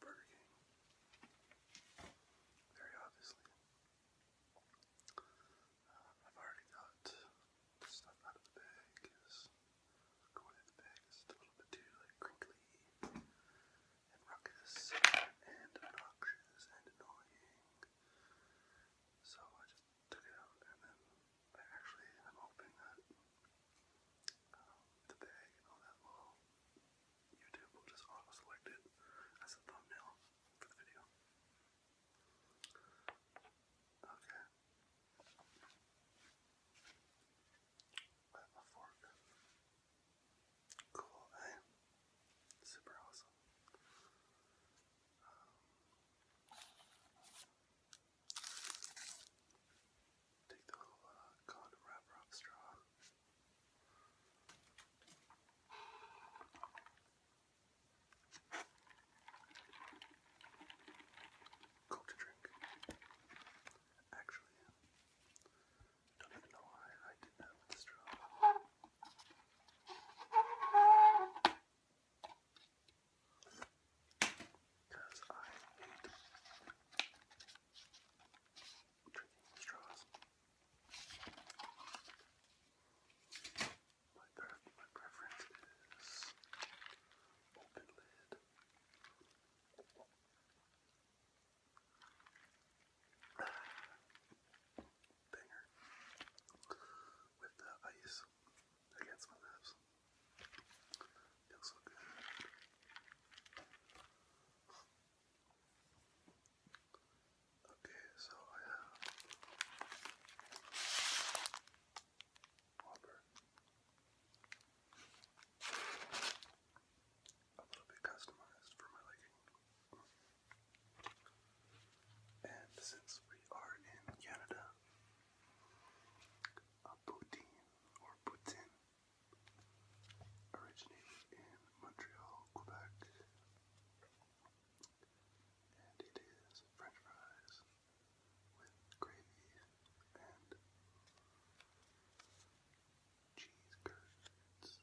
Burger King. Very obviously. Uh, I've already got stuff out of the bag because going in the bag is a little bit too like crinkly and ruckus and obnoxious and annoying. So I just took it out and then I actually I'm hoping that um, the bag and all that will YouTube will just auto-select it as a thumbnail for the video. Okay. I have a fork. Cool, eh? Super awesome. Um, Take the little uh, condom wrapper straw. Coke to drink. Actually, I don't even know why I did that with the straw. Because I hate drinking straws. My, pref my preference is open lid. Banger. With the ice against my lips. Feels so good. Okay, so I have a little bit customized for my liking. And since we are in Canada, a poutine or poutine originated in Montreal, Quebec, and it is French fries with gravy and cheese curds. cheese curds.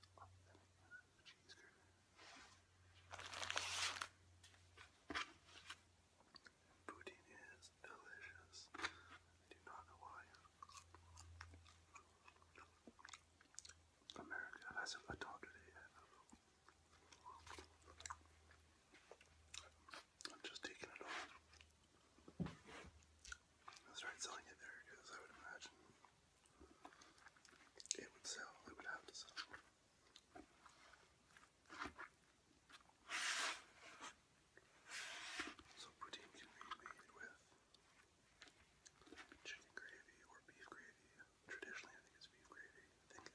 Poutine is delicious. I do not know why America has a adopted it I'm just taking it on. I'll start selling it there because I would imagine it would sell. It would have to sell. So poutine can be made with chicken gravy or beef gravy. Traditionally, I think it's beef gravy. I think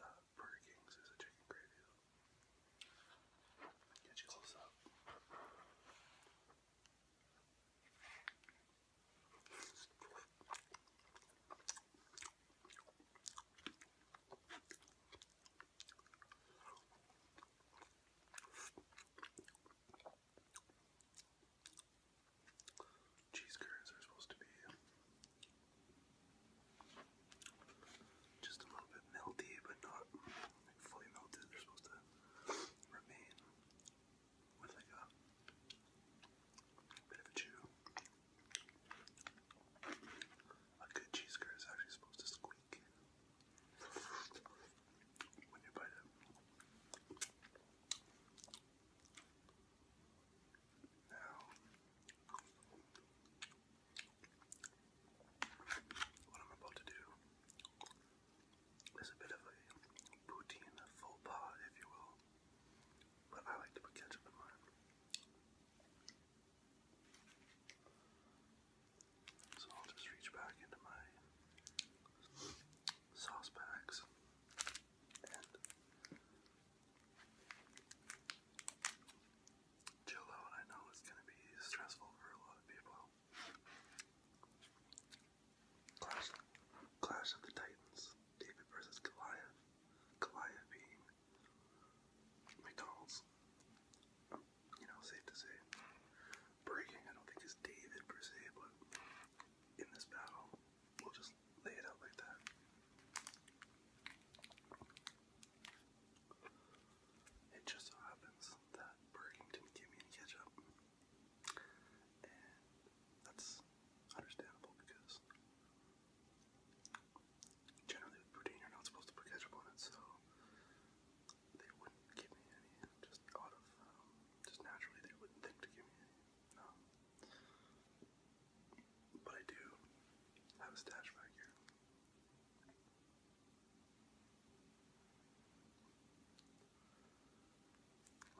uh, Burger King's is a chicken gravy Get you close up. Cheese curds are supposed to be just a little bit melty, but not fully melted. They're supposed to remain with like a bit of a chew. A good cheese curd is actually supposed to squeak when you Now, what I'm about to do is a bit of a poutine faux pas, if you will, but I like to put ketchup in mine. So I'll just reach back into my sauce bags chill out. I know it's going to be stressful for a lot of people. Clash, Clash of the Titans, David versus Goliath. Goliath being McDonald's you know, safe to say. Breaking, I don't think is David per se, but in this battle, we'll just lay it out like that. It just so happens that Breaking did me any And that's understandable because generally with you're not supposed to put ketchup on it, so they wouldn't give me any, just out of, um, just naturally they wouldn't think to give me any, no. But I do have a stash back here.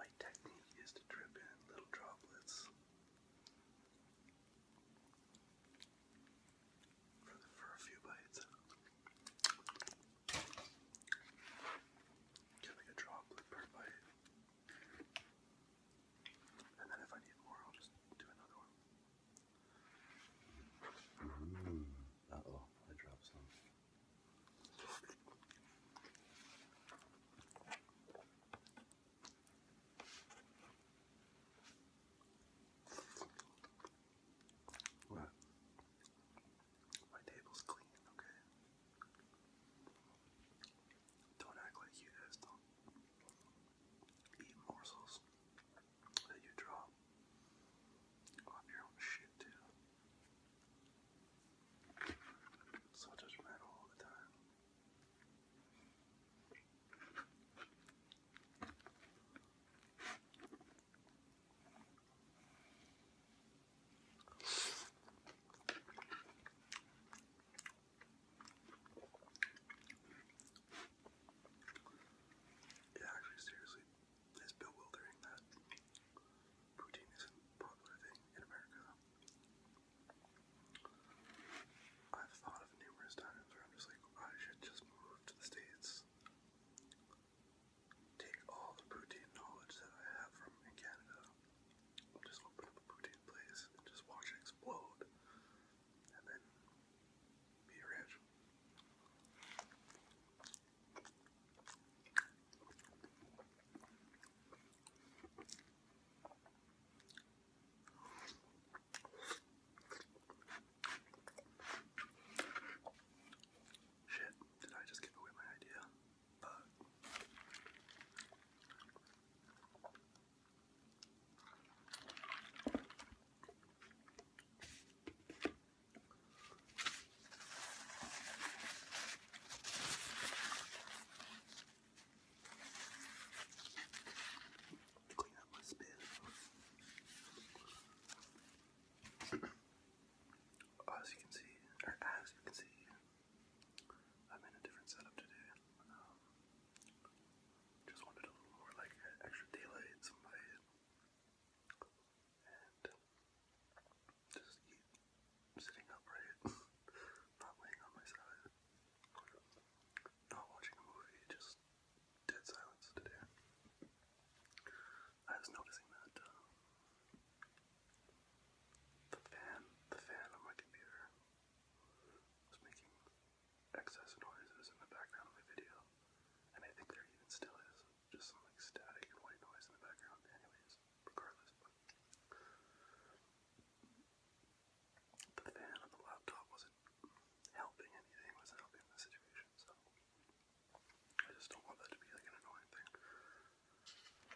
My technique is to drip in little droplets for, for a few bites. Get like a droplet And then if I need more, I'll just do another one. oh, I dropped some. What? My table's clean, okay? Don't act like you guys don't eat morsels that you drop off your own shit, too. So judgmental all the time. Yeah, actually, seriously, it's bewildering that poutine isn't a popular thing in America. I've thought of numerous times where I'm just like, I should just move to the States take all the poutine knowledge that I have from in Canada, just open up a poutine place just watch it explode, and then be rich. Shit, did I just give away my idea? But Clean up my spit. Oh, as you can see, or as you can see, I'm in a different setup today. Um, just wanted a little more like extra daylight, some light, and just sitting upright, not laying on my side, not watching a movie, just dead silence today. I was noticing that uh, the fan, the fan on my computer was making excess noises in the background of my video, and I think there even still is just some like static and white noise in the background. Anyways, regardless, but the fan on the laptop wasn't helping anything, wasn't helping the situation, so. I just don't want that to be like an annoying thing.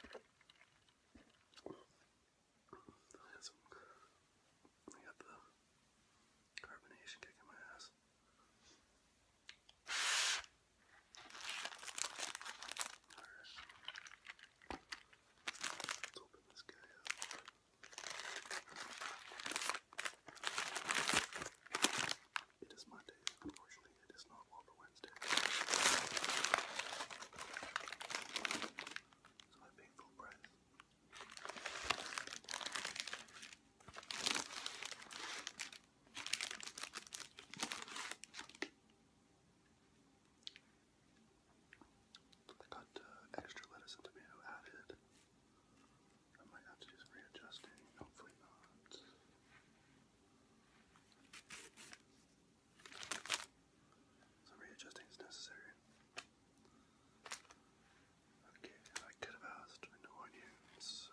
I got the carbonation kicking my ass. Let's open this guy up. It is Monday. Unfortunately, it is not Waffle Wednesday. So I paid full price. I got uh, extra lettuce and tomato added. I might have to do some readjusting, hopefully not. Some readjusting is necessary. Okay, I could have asked. I know I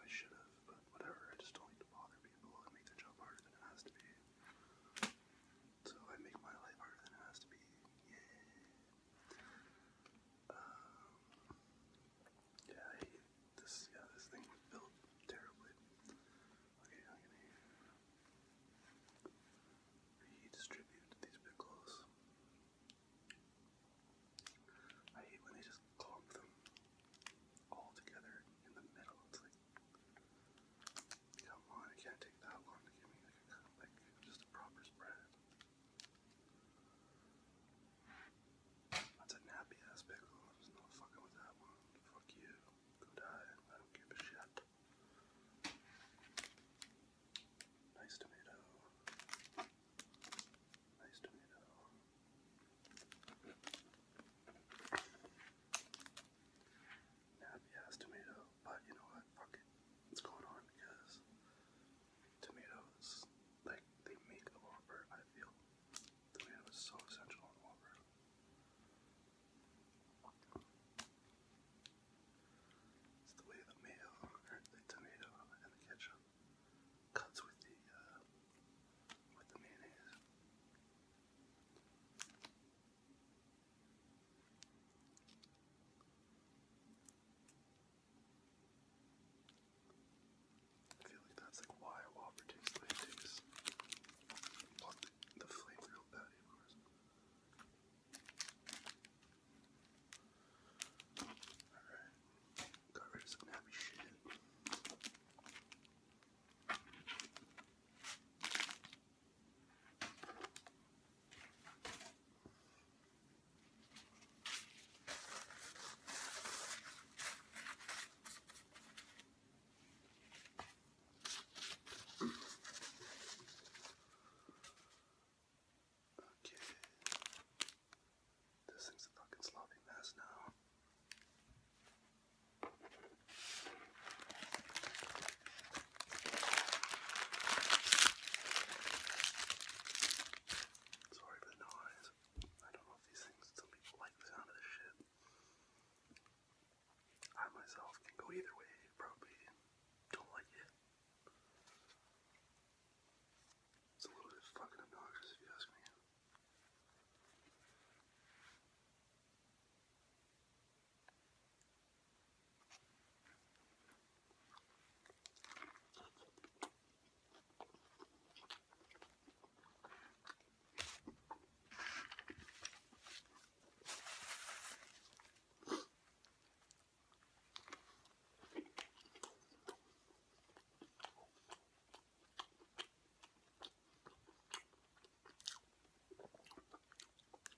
should have, but whatever. I just don't like to bother people and make their job harder than it has to be. So I make my life harder than it has to be. Yay! Um, yeah, this yeah, this thing was built terribly. i hate when they just clump them all together in the middle. It's like come on, it can't take that long to give me like just a proper spread. That's a nappy ass pickle. I'm not fucking with that one. Fuck you. Go die. I don't give a shit. Nice tomato. Nice tomato. Nappy ass tomato. But you know what? Fuck it. It's going on because tomatoes, like, they make a lot I feel. The man was so essential in Walker. It's the way the mayo, or the tomato, and the ketchup cuts with the uh, with the mayonnaise. I feel like that's like why a wobbler tastes the way it tastes. the flavor of patty, of course. Alright. Got rid of some happy shit. Okay. This thing's a fucking sloppy mess now. Sorry for the noise. I don't know if these things still like the sound of this shit. I myself can go either way, probably, don't like it. It's a little bit fucking obnoxious if you ask me.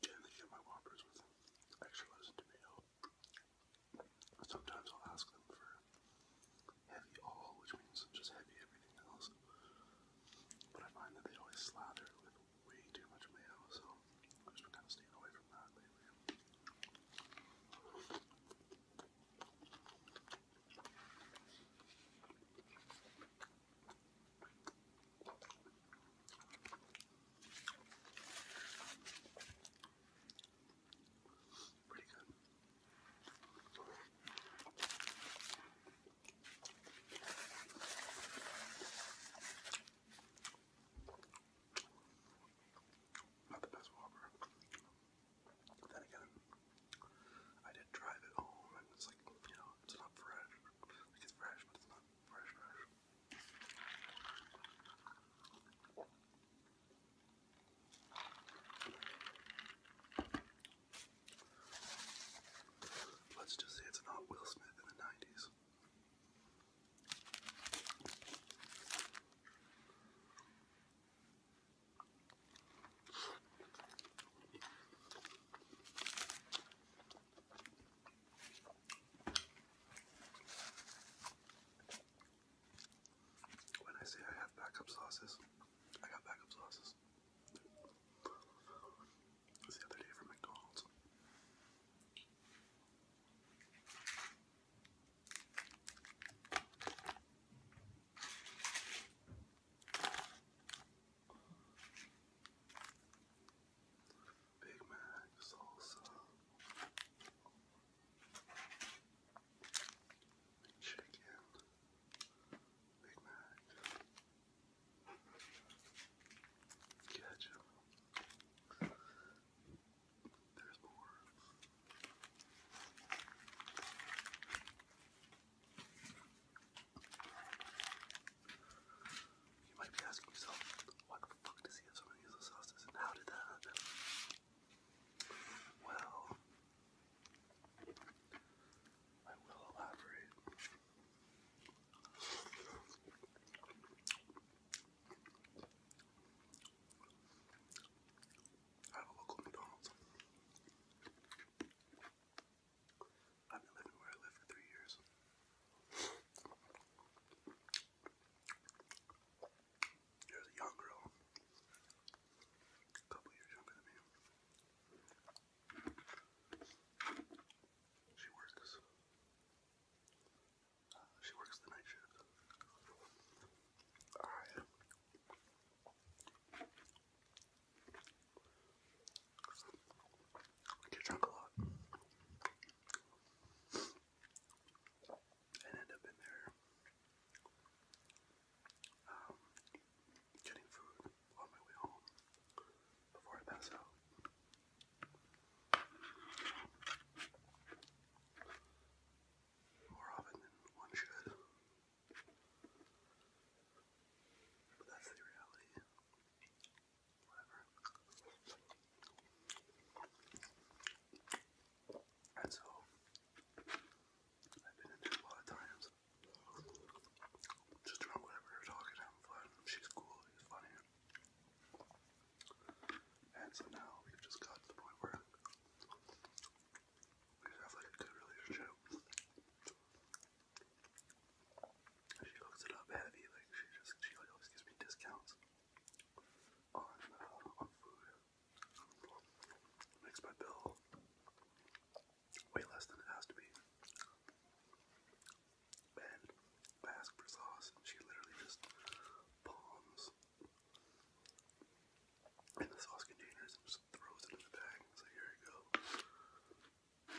Generally get my Whoppers with extra lettuce and Sometimes I'll ask them for heavy all, which means just heavy everything else. But I find that they always slather with way too much mayo, so I've just kind of staying away from that Pretty good. Not the best Whopper. Then again, I did drive it home, and it's like, you know, it's not fresh. it's fresh, but it's not fresh, fresh. Let's just say it's not Will Smith in the 90s. When I say I have backup sauces, I got backup sauces. It was the other day from McDonald's. Big Mac salsa. Chicken. Big Mac. Catch There's more. You might be asking yourself, why the fuck does he have so many useless sauces and how did that happen? Well, I will elaborate. Have a local McDonald's. I've been living where I live for three years. There's a young girl, a couple years younger than me. She works. Uh, she works the night shift. I get drunk a lot and end up in there. Um, getting food on my way home before I pass out. More often than one should. But that's the reality. Whatever. And so, I've been in there a lot of times. Just about we're talking, having fun. She's cool, he's funny. And so now we've just gotten to the point where we have like a good relationship. She hooks it up heavy, like she just she always gives me discounts on uh, on food. Makes my bill way less than it has to be. And I asked for sauce, and she literally just bombs in the sauce containers and just throws it in the bag. So here you go.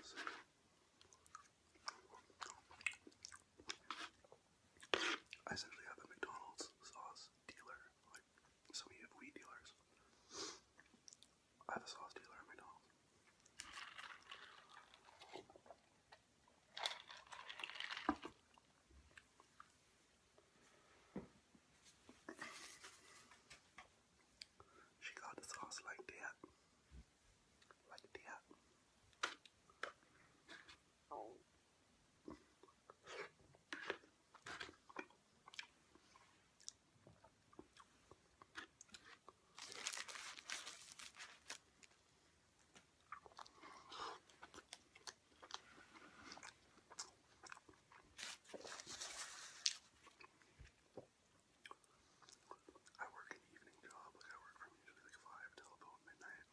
So, I essentially have a McDonald's sauce dealer, like so many of we dealers. I have a sauce dealer at McDonald's. She got the sauce like that. Like that. I work an evening job, I work from usually like five till about midnight.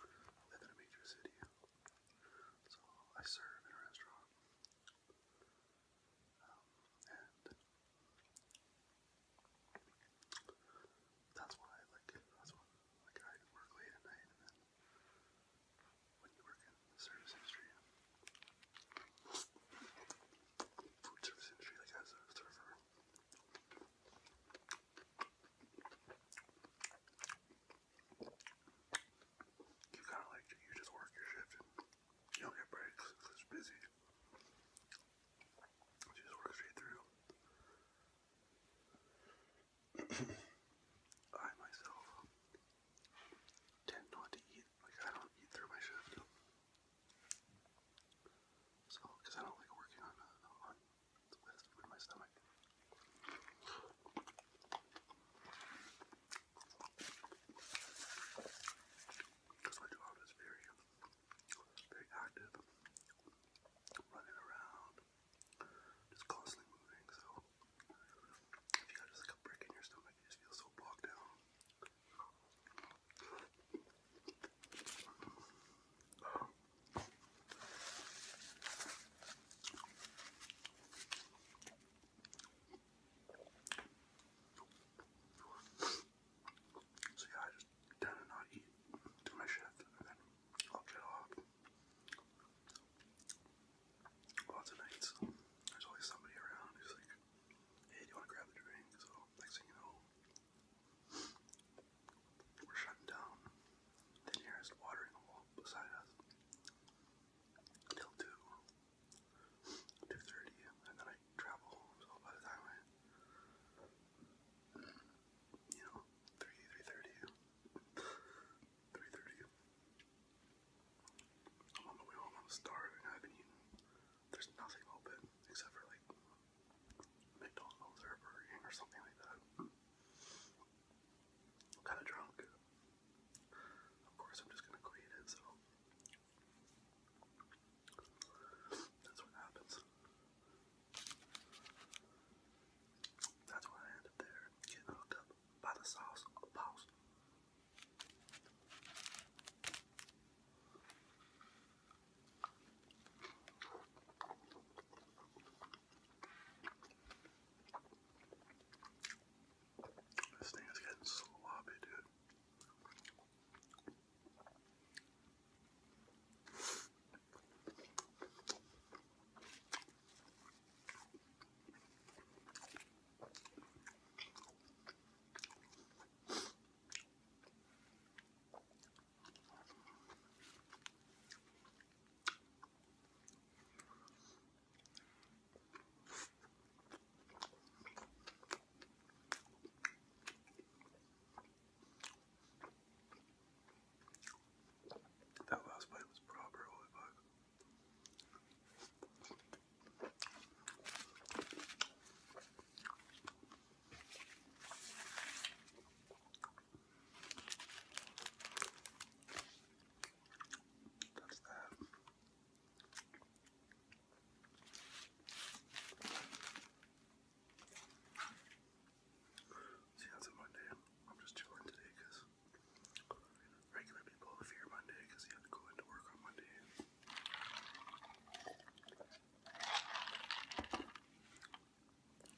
live in a major city, so I serve in a restaurant. Um, that's why, like, that's why, like, I work late at night, and then when you work in the service industry, food service industry, like, as a server, you kind of like, you just work your shift you don't get breaks it's busy. just work straight through. I myself tend not to eat, like I don't eat through my shift. So, because I don't like working on, uh, on my stomach. Because my job is very, very active, running around, just constantly moving. So if you just like a brick in your stomach, you just feel so bogged down. So yeah, I just tend to not eat to my shift, and then I'll get off. Lots of nights, there's always somebody around who's like, hey, you want to grab a drink? So next thing you know, we're shutting down the nearest watering hole beside us until 2. 2.30, and then I travel, so by the time I, you know, 3, 3.30, I'm on my way home, I'm starving, I haven't eaten, there's nothing open, except for, like, McDonald's or Burger King or something like that. kind of drunk. Of course, I'm just gonna create it, so that's what happens. That's why I end up there, getting hooked up by the sauce boss. This thing is getting sloppy, dude. That last bite was proper, holy That's that. See, that's a Monday. I'm just chilling today because regular people fear Monday because you have to go into work on Monday.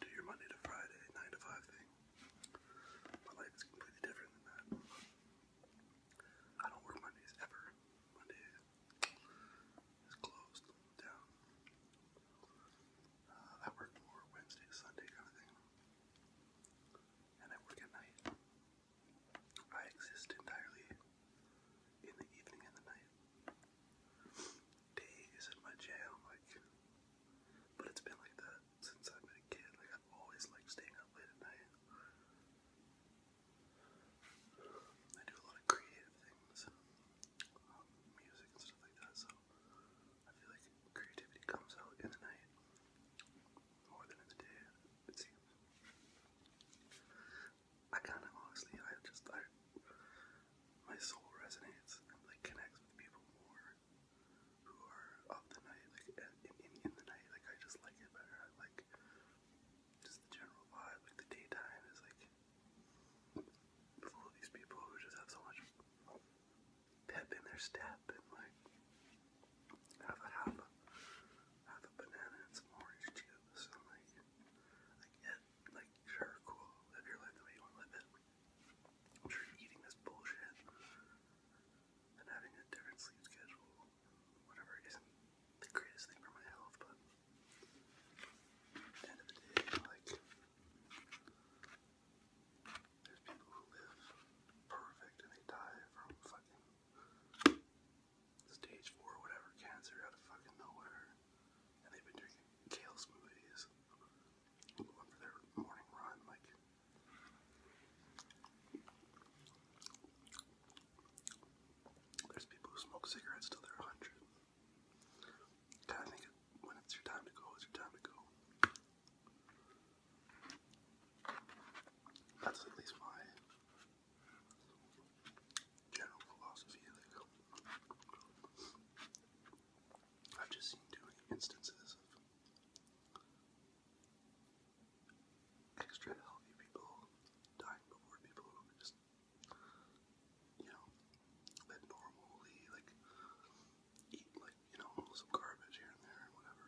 Do your Monday to Friday, 9 to 5 thing. My life is completely different than that. I don't work Mondays ever. Monday is closed down. Uh, I work more Wednesday, Sunday kind And I work at night. I exist entirely in the evening and the night. Day is my jam, like, but it's been like that since I've been a kid. I've always liked staying up late at night. I do a lot of creative things, um, music and stuff like that. So I feel like creativity comes out in the night more than in the day. It seems. I kind of honestly, I just I my soul resonates and like connects with people more who are of the night, like in, in, the night. Like I just like it better. I like just the general vibe. Like the daytime is like full these people who just have so much pep in their step and like have a half a a banana and some orange juice and like like yeah, like sure, cool. Live your life the way you want to live it. I'm eating this bullshit and having a different sleep schedule whatever is the greatest thing for my health, but at the end of the day, like there's people who live perfect and they die from fucking stage four whatever cancer out of fucking nowhere. And they've been drinking kale smoothies. Going for their morning run, like there's people who smoke cigarettes till they're 100. Gotta think when it's your time to go, it's your time to go. That's at least my general philosophy. I've just seen too instances of extra healthy people dying before people who just, you know, live normally, like, eat, like, you know, some garbage here and there and whatever.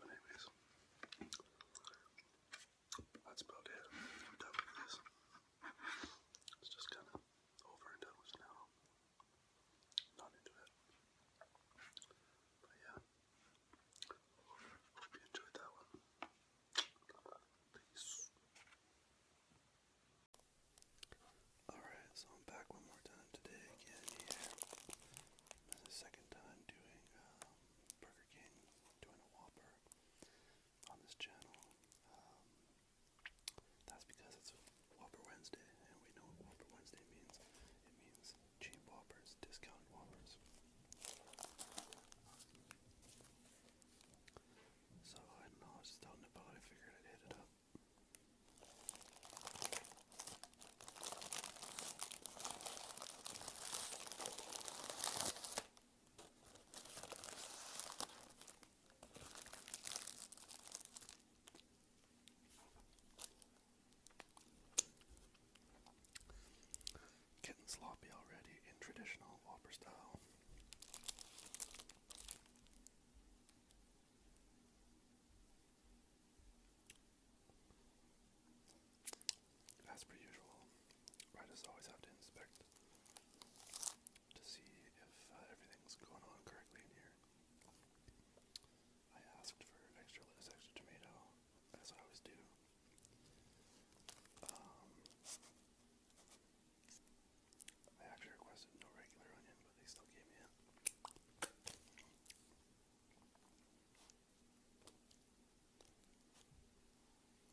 But anyways, that's about it. done with this. It's just kind of over and done with now. Not into it. But yeah, hope you enjoyed that one. Peace. Alright, so I'm back one more time today again here. second time doing um, Burger King, doing a Whopper on this channel. Um, that's because it's Whopper Wednesday, and we know Whopper Wednesday means. It means cheap Whoppers, discounted Whoppers. So I was just out and about, I figured I'd hit it up. Getting sloppy already in traditional Whopper style. As per usual, writers always have to inspect to see if uh, everything's going on correctly in here. I asked for extra lettuce, extra tomato, as I always do. Um, I actually requested no regular onion, but they still gave me it.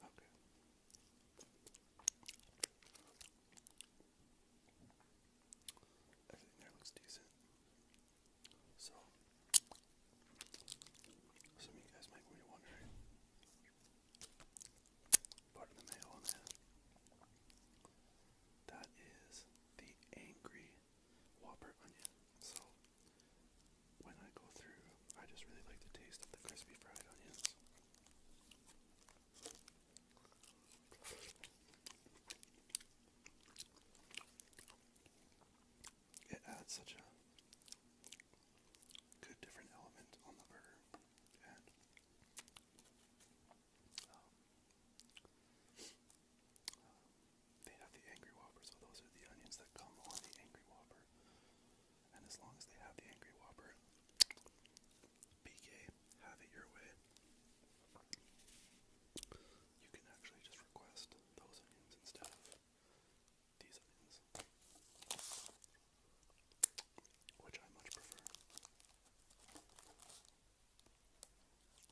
Okay. Everything there looks decent. So, some of you guys might be part of the mail on That is the angry whopper onion. So when I go through, I just really like the taste of the crispy fried onions. It adds such a good different element on the burger, um, they have the Angry Whopper, so those are the onions that come on the Angry Whopper. And as long as they have the Angry Whopper, BK, have it your way. You can actually just request those onions instead of these onions, which I much prefer.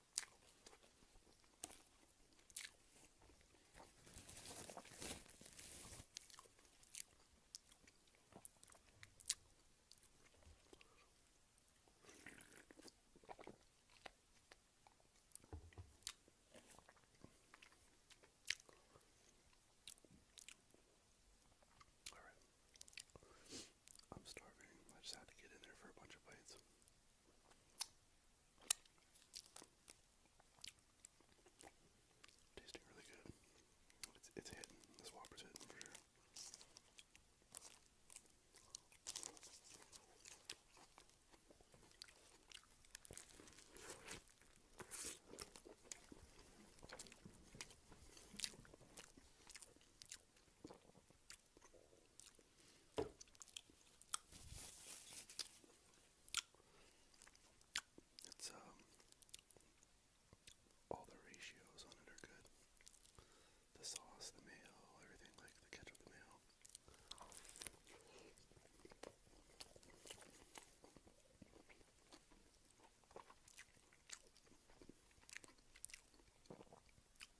All right. I'm starving. I just had to get in there for a bunch of bites. Tasting really good. It's, it's hitting. This Whopper's hitting for sure. It's um, all the ratios on it are good. The sauce, the mayo, everything like the ketchup, the mayo.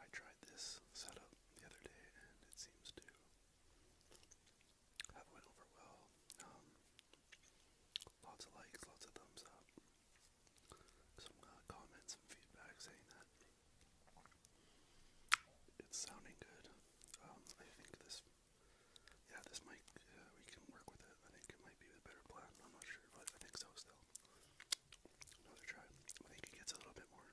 I tried this setup the other day and it seems to have went over well. Um, lots of likes, lots of thumbs up. Some comments and feedback saying that it's sounding good. Um, I think this, yeah, this mic, uh, we can work with I think it might be the better plan. I'm not sure, but I think so still. Another try. I think it gets a little bit more.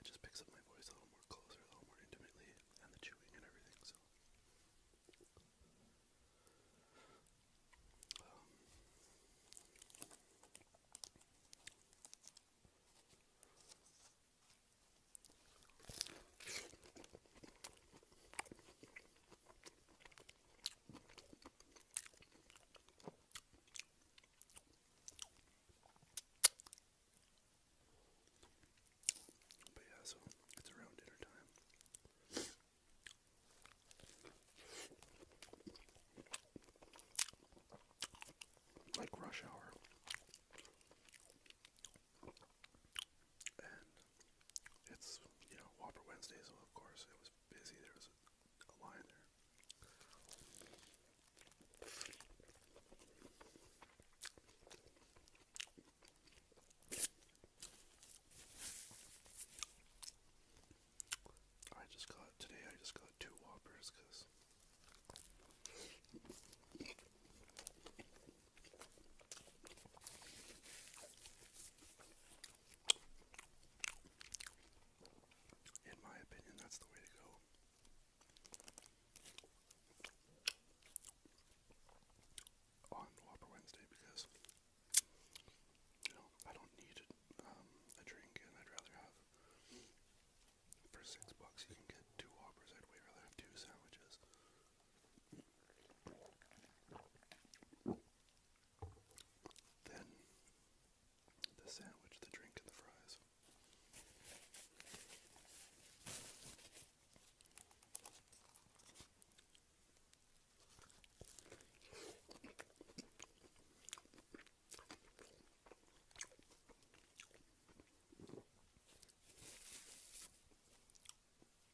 It just picks up my voice a little more closer, a little more intimately, and the chewing and everything, so. Um. But yeah, so it's around dinner time. Like rush hour it's you know Whopper Wednesdays. so of course it was busy. There was a, a line there. I just got today. I just got two Whoppers because. In my opinion, that's the way to go. On Whopper Wednesday because you know I don't need um, a drink, and I'd rather have for six bucks you can get two Whoppers. I'd rather have two sandwiches. Then the sandwich, the drink, and the fries.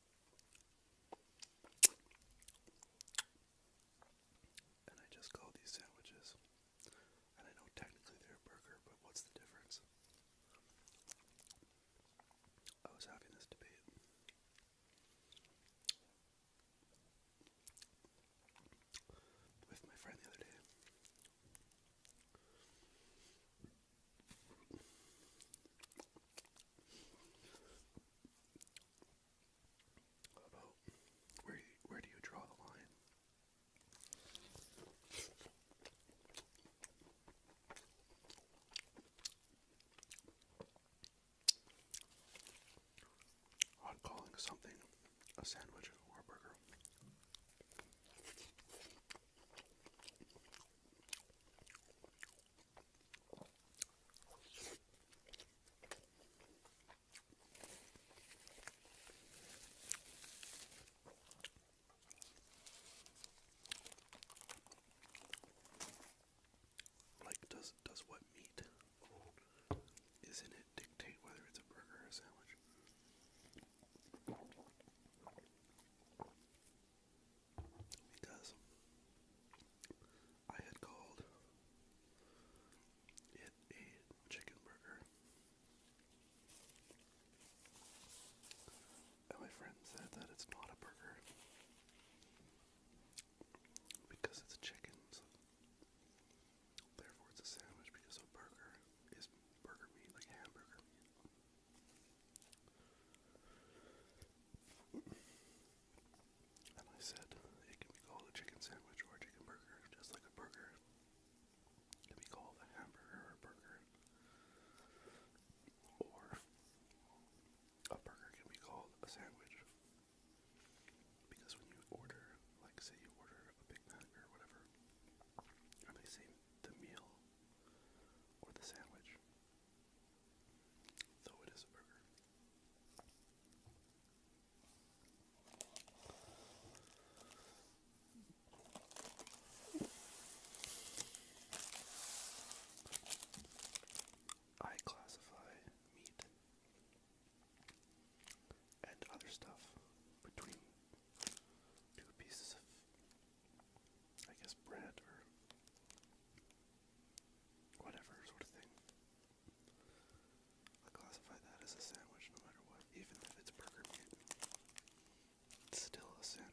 And I just call these sandwiches. And I know technically they're a burger, but what's the difference? I was having this debate. With my friend the other day about where where do you draw the line? On calling something a sandwich or burger. Like, does does what meat is in it dictate whether it's a burger or a sandwich? Because I had called it a chicken burger. And my friend said that it's not a burger because it's chicken, therefore it's a sandwich because a burger is burger meat, like hamburger meat. And I said it can be called a chicken sandwich or a chicken burger, just like a burger. It can be called a hamburger or a burger. Or a burger can be called a sandwich. Because when you order, like say you order a Big Mac whatever, and they say the meal or the sandwich, though it is a burger, I classify meat and other stuff between two pieces of, I guess, bread or whatever sort of thing. I classify that as a sandwich no matter what, even if it's burger meat. It's still a sandwich.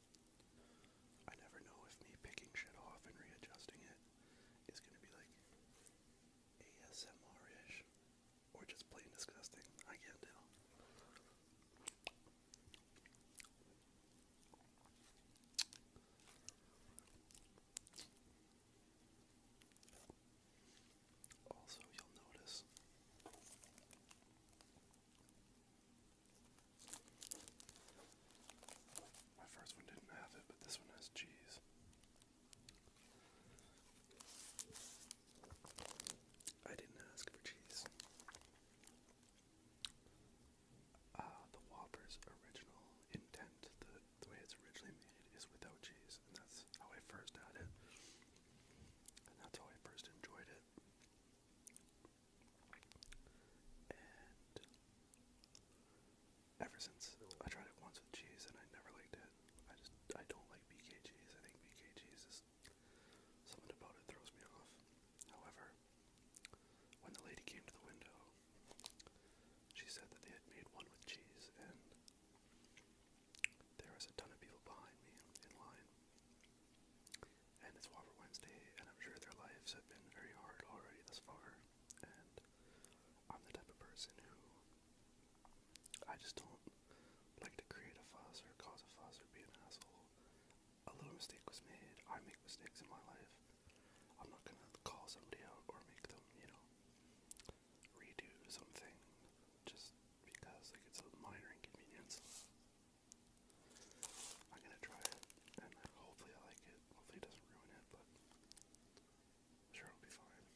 I never know if me picking shit off and readjusting it is going to be like ASMR-ish or just plain disgusting. I can't tell. Also, you'll notice my first one didn't have it, but this one has cheese. I didn't ask for cheese. Uh, the Whopper's original intent, the way it's originally made, is without cheese, and that's how I first had it. And that's how I first enjoyed it ever since I tried it once with cheese and I never liked it, I just I don't like BK cheese. I think BK cheese is something about it throws me off. However, when the lady came to the window, she said that they had made one with cheese, and there was a ton of people behind me in line and it's Whopper Wednesday, and I'm sure their lives have been very hard already thus far. And I'm the type of person who I just don't like to create a fuss or cause a fuss or be an asshole. A little mistake was made. I make mistakes in my life. I'm not gonna call somebody out or make them, you know, redo something just because like it's a minor inconvenience. I'm gonna try it, and hopefully I like it. Hopefully it doesn't ruin it, but sure it'll be fine.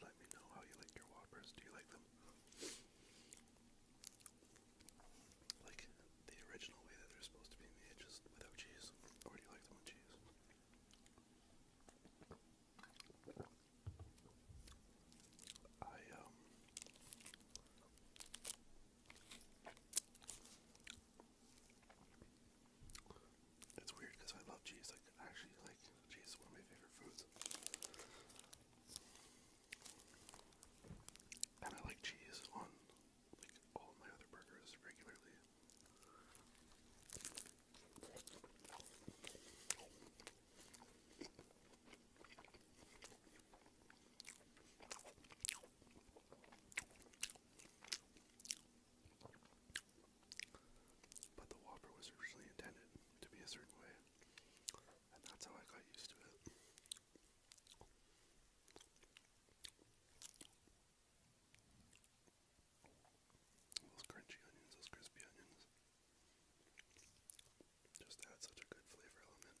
Let, me know how you like your Whoppers. Do you like them? like the original way that they're supposed to be made, just without cheese. Or do you like them with cheese? I um It's weird because I love cheese. Like actually like cheese is one of my favorite foods. And I like cheese on like all my other burgers regularly. But the Whopper was originally intended to be a certain way and that's how I got used to it. Those crunchy onions, those crispy onions, just add such a good flavor element.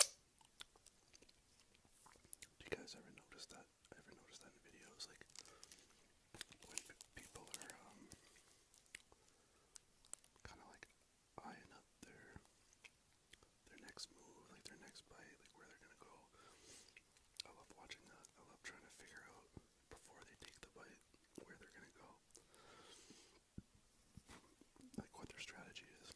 Do you guys ever notice that? Ever notice that in videos, like when people are um, kind of like eyeing up their their next move, like their next bite, like where they're gonna go. I love watching that. I love trying to figure out before they take the bite where they're gonna go like what their strategy is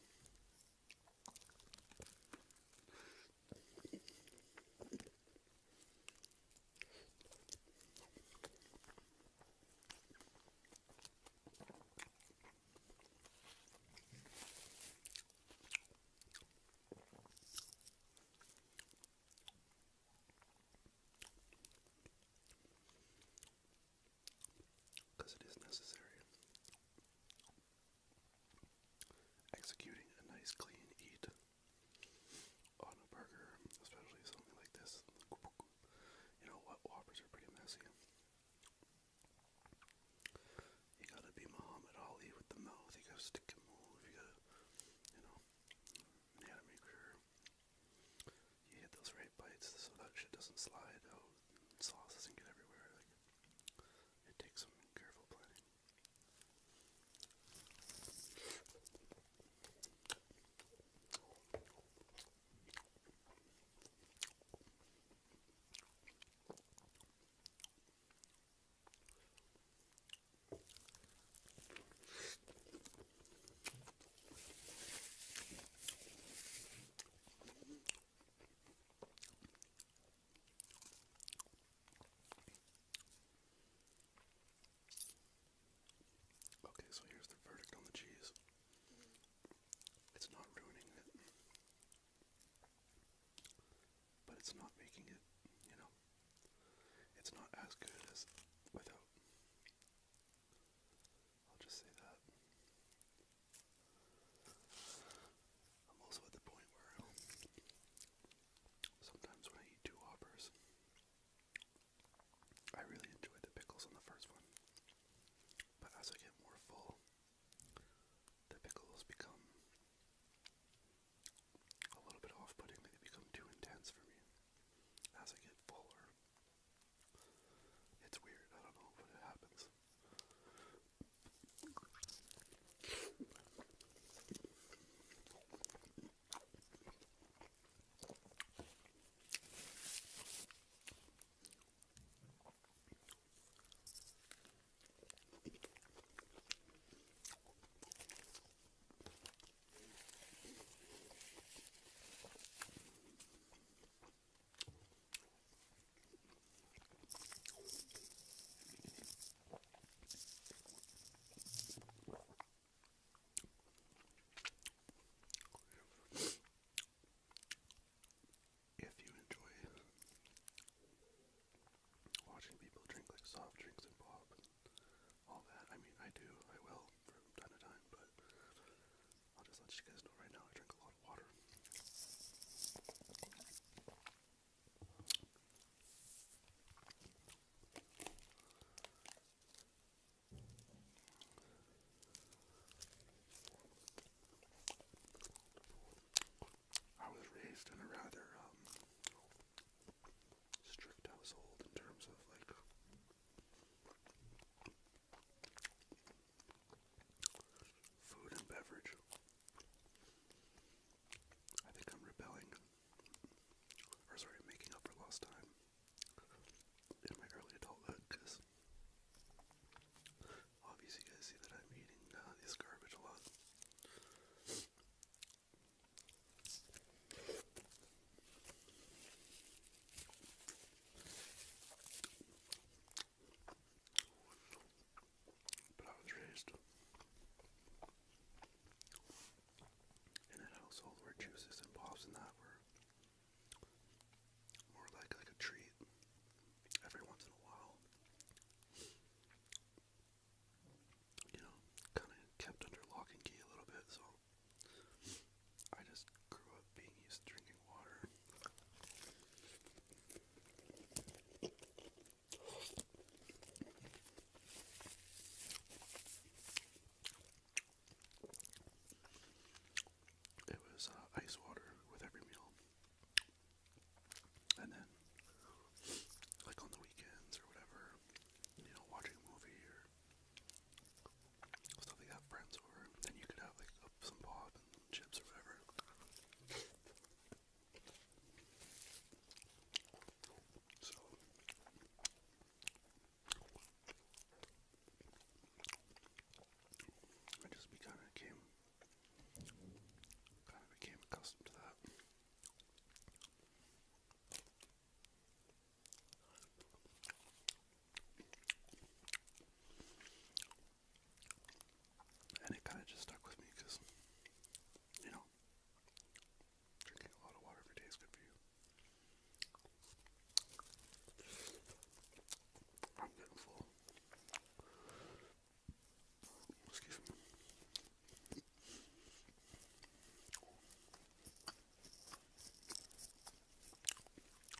because it is necessary. Executing a nice clean eat on a burger, especially something like this. You know what? Whoppers are pretty messy. You gotta be Muhammad Ali with the mouth. You gotta stick and You gotta, you know, you gotta make sure you hit those right bites so that shit doesn't slide out and sauce doesn't get everywhere. it takes some careful planning. Okay, so here's the verdict on the cheese. It's not ruining it. But it's not making it, you know. It's not as good as without. I'll just say that. I'm also at the point where sometimes when I eat two Whoppers, I really enjoy the pickles on the first one. But as I get more full, the pickles become a little bit off putting, they become too intense for me. As I get fuller, it's weird, I don't know, but it happens. If you enjoy watching people drink like soft drinks and pop all that, I mean, I do, I will from time to time, but I'll just let you guys know right now I drink a lot. I was raised in a rather um, strict household in terms of like Food and beverage. I think I'm rebelling, or sorry, making up for lost time in my early adulthood because obviously you guys see that I'm eating uh, this garbage a lot. But I was raised in a household where juices and pops and that were more like like a treat every once in a while. You know, kind of kept under lock and key a little bit, so I just grew up being used to drinking water. It was uh, ice water with every meal. And then, like on the weekends or whatever, you know, watching a movie or stuff like that, friends over, then you could have like some pop and chips or whatever. So I just kind of came, kind of became accustomed to that. And it kind of just stuck with me because, you know, drinking a lot of water every day is good for you. I'm getting full. Excuse me.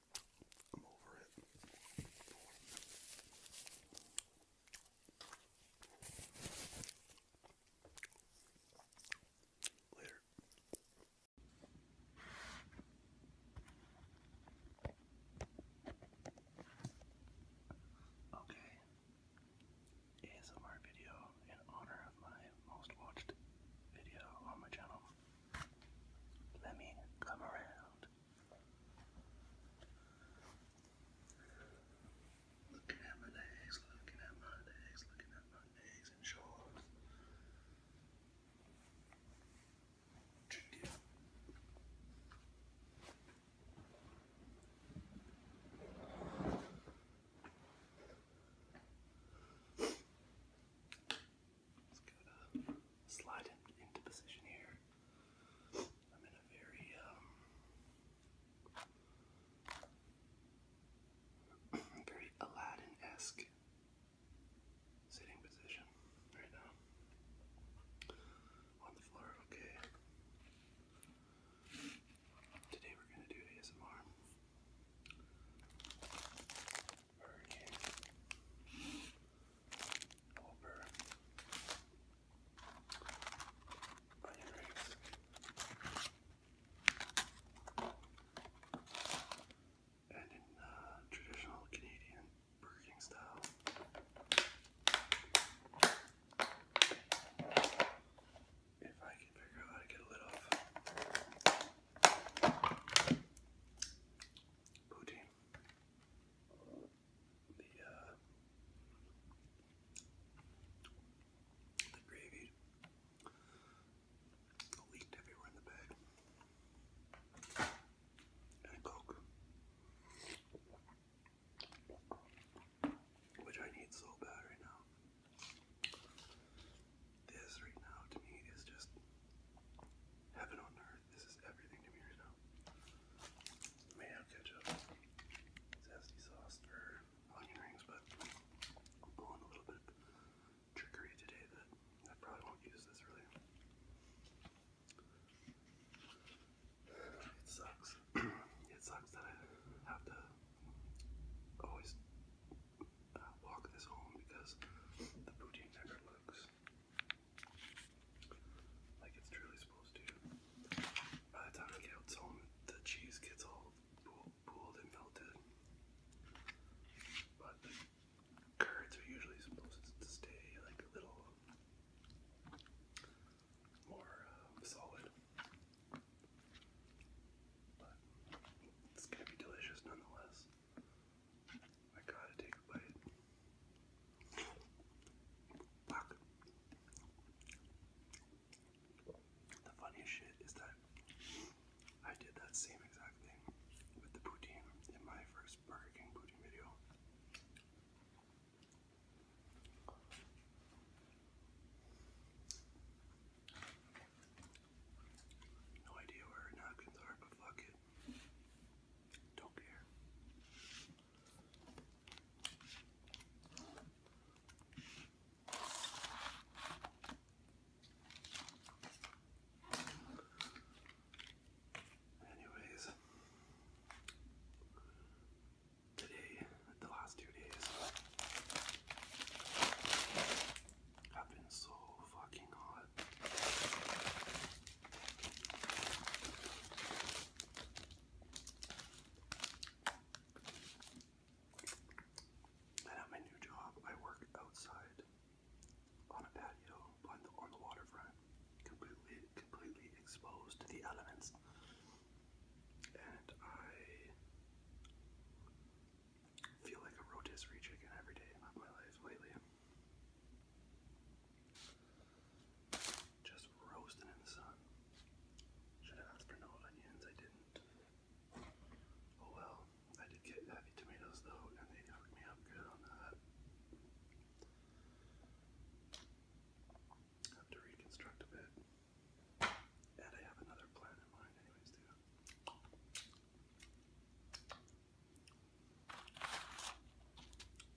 I'm Later. Okay. ASMR video in honor of my most watched video on my channel. Let me come around. Looking at my legs, looking at my legs, looking at my legs and shoulders. Tricky. Just gotta slide it into position here. I'm in a very um very Aladdin-esque sitting position right now. On the floor, okay. Today we're gonna do ASMR. Bernie, Hopper, and in traditional Canadian burger style. If I can figure out how to get a lid off. Booty. The, uh, the gravy leaked everywhere in the bag. And Coke. Which I need so bad right now this right now to me is just heaven on earth. This is everything to me right now. Mayo ketchup, zesty sauce, or onion rings, but I'm going a little bit trickery today that I probably won't use this really. It sucks. it sucks that I have to always walk this home because the booty never looks like it's truly supposed to. By the time I get home, the cheese gets all pooled and melted. But the curds are usually supposed to stay like a little more um, solid. But it's gonna be delicious nonetheless. I gotta take a bite. Fuck. The funniest shit is that I did that same exact thing with the poutine in my first Burger King poutine video. No idea where napkins are, but fuck it it. Don't care. Anyways, today, the last two days, I've been so fucking hot. at my new job, I work outside on a patio on the waterfront, completely, completely exposed to the elements. And I feel like a rotisserie chicken every day of my life lately. Just roasting in the sun. Should have asked for no onions, I didn't. Oh well, I did get heavy tomatoes though, and they hooked me up good on that. Have to reconstruct a bit. And I have another plan in mind anyways too.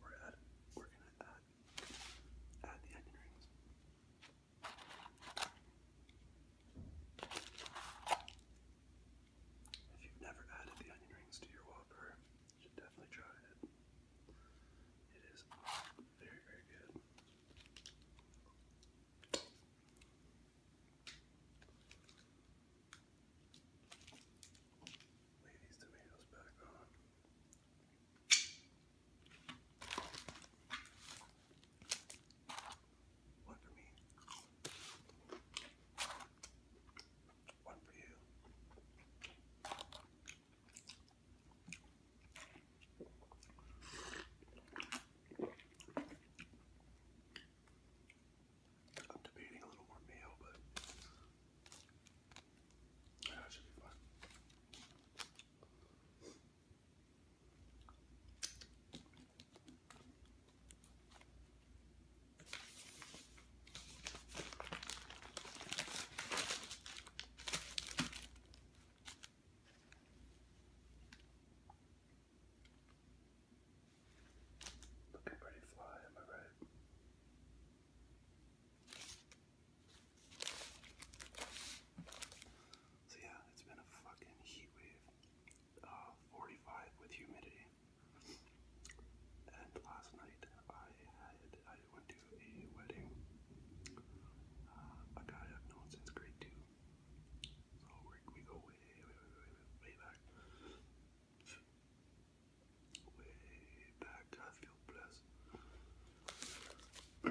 We're add, we're going the onion rings. If you've never added the onion rings to your Whopper, you should definitely try it. It is very, very good. Lay these tomatoes back on. One for me. One for you. I'm debating a little more mayo, but that should be fun. Looking pretty fly, am I right? So yeah, it's been a fucking heat uh, 45 with humidity. And last night I had I went to a wedding. Uh, a guy I've known since grade two. So we, go way, way back. Way back, I feel blessed. you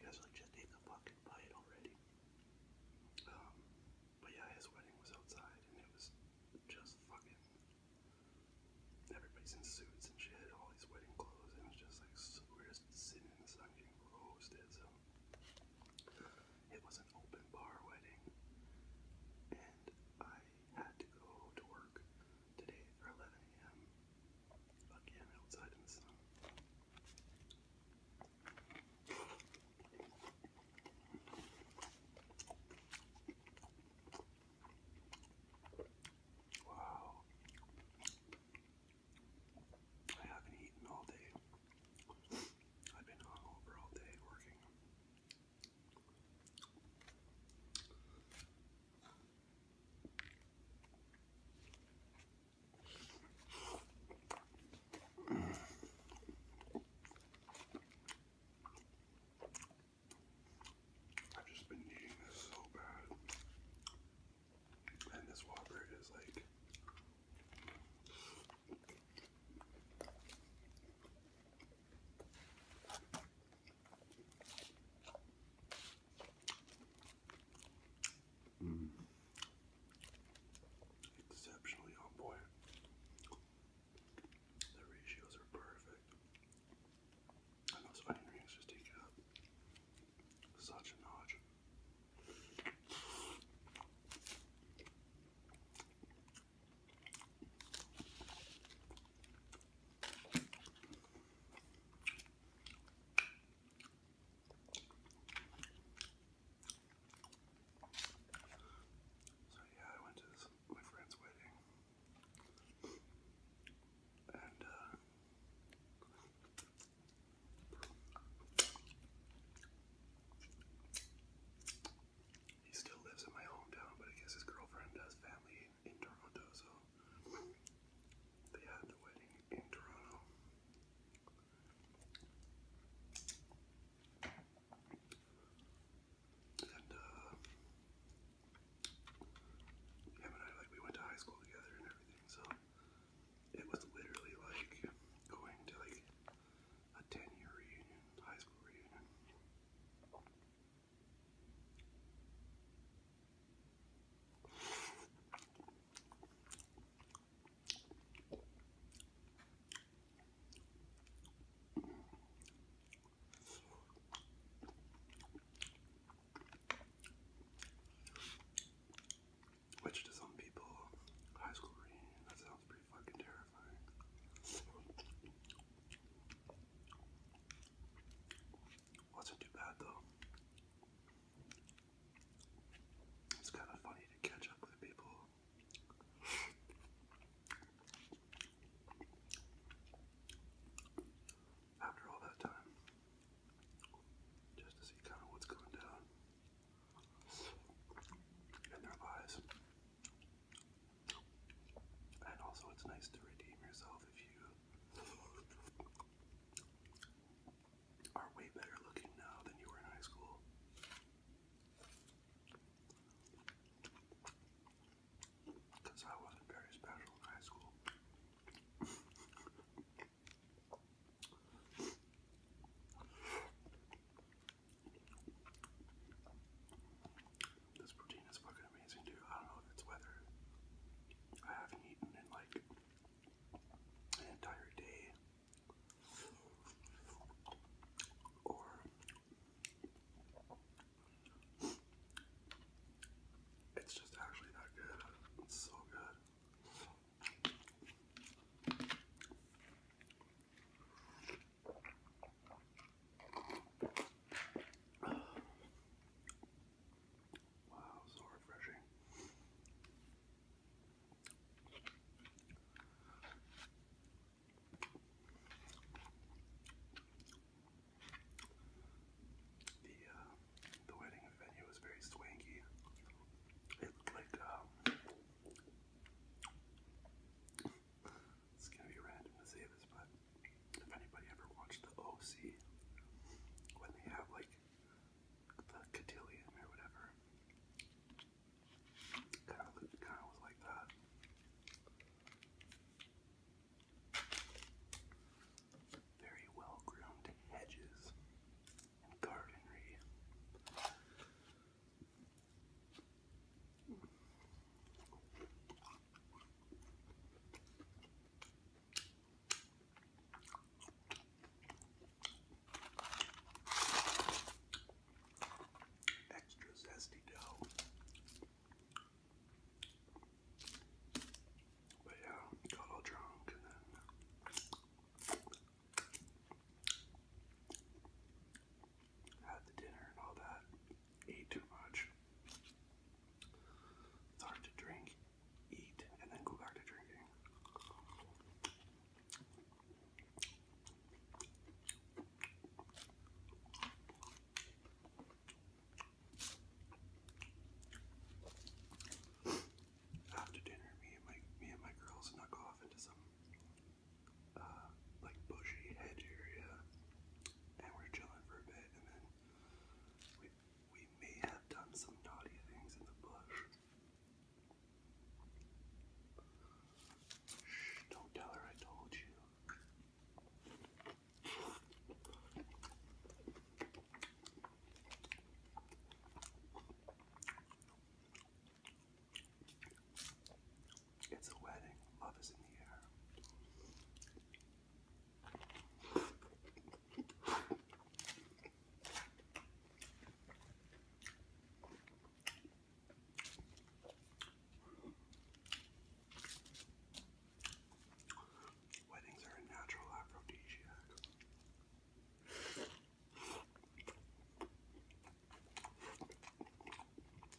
guys like just ate the fucking bite already. Um, but yeah, his wedding was outside, and it was just fucking. Everybody's in suits and shit, all these wedding clothes, and it's just like we're just sitting in the sun getting roasted. So it was an open bar wedding, and I had to go to work today for 11 a.m. again outside in the sun. Wow. I haven't eaten all day. I've been hungover all day working. I've just been needing this so bad. And this Whopper is like Mm. Exceptionally on point. The ratios are perfect. those onion rings just take it up. Such a notch. So yeah, I went to my friend's wedding, and uh, he still lives in my hometown, but I guess his girlfriend has family in Toronto, so they had the wedding in Toronto. And uh, him and I like we went to high school together and everything, so it was literally like going to like a 10 year reunion, high school reunion. Which to some people, high school reunion, that sounds pretty fucking Wasn't too bad though. It's kind of funny to catch up with people. After all that time, just to see kind of what's going down in their lives. And also, it's nice to redeem yourself if you are way better looking now than you were in high school. Because I wasn't very special in high school. This protein is fucking amazing, dude. I don't know if it's whether I haven't eaten in like an entire day or it's just actually that good. It's so good. Wow, so refreshing. The uh, the wedding venue was very swanky. It like um, it's gonna be random to say this, but if anybody ever watched the OC, when they have like the cotillion or whatever, kind of kind of was like that. Very well groomed hedges and gardenry. Extra zesty dough. But yeah, got all drunk and then had the dinner and all that, ate too much. hard to drink, eat, and then go back to drinking. After dinner, me and my me and my girls snuck off into some uh, like bushy head area, and we're chilling for a bit, and then we we may have done some naughty things in the bush. Don't tell her I told you. It's a wedding. Love is in the air. Weddings are a natural aphrodisiac. I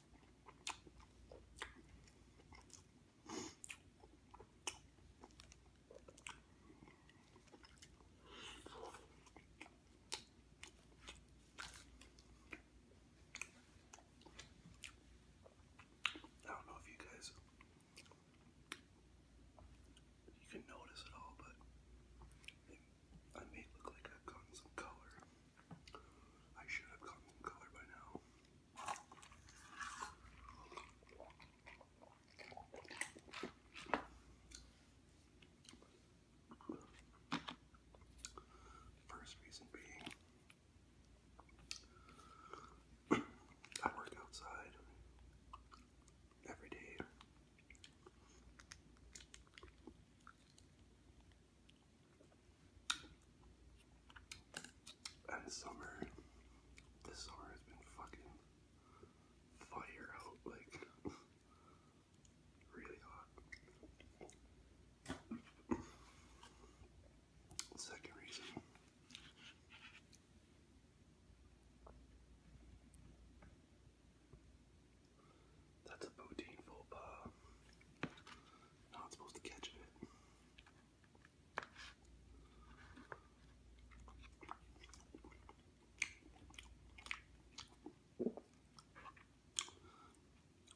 don't know if you guys you can notice it all, but I may look like I've gotten some color I should have gotten color by now. First reason being, I work outside every day. And summer, this summer has been fucking fire like, really hot. Second reason. That's a poutine faux pas. I'm not supposed to catch it.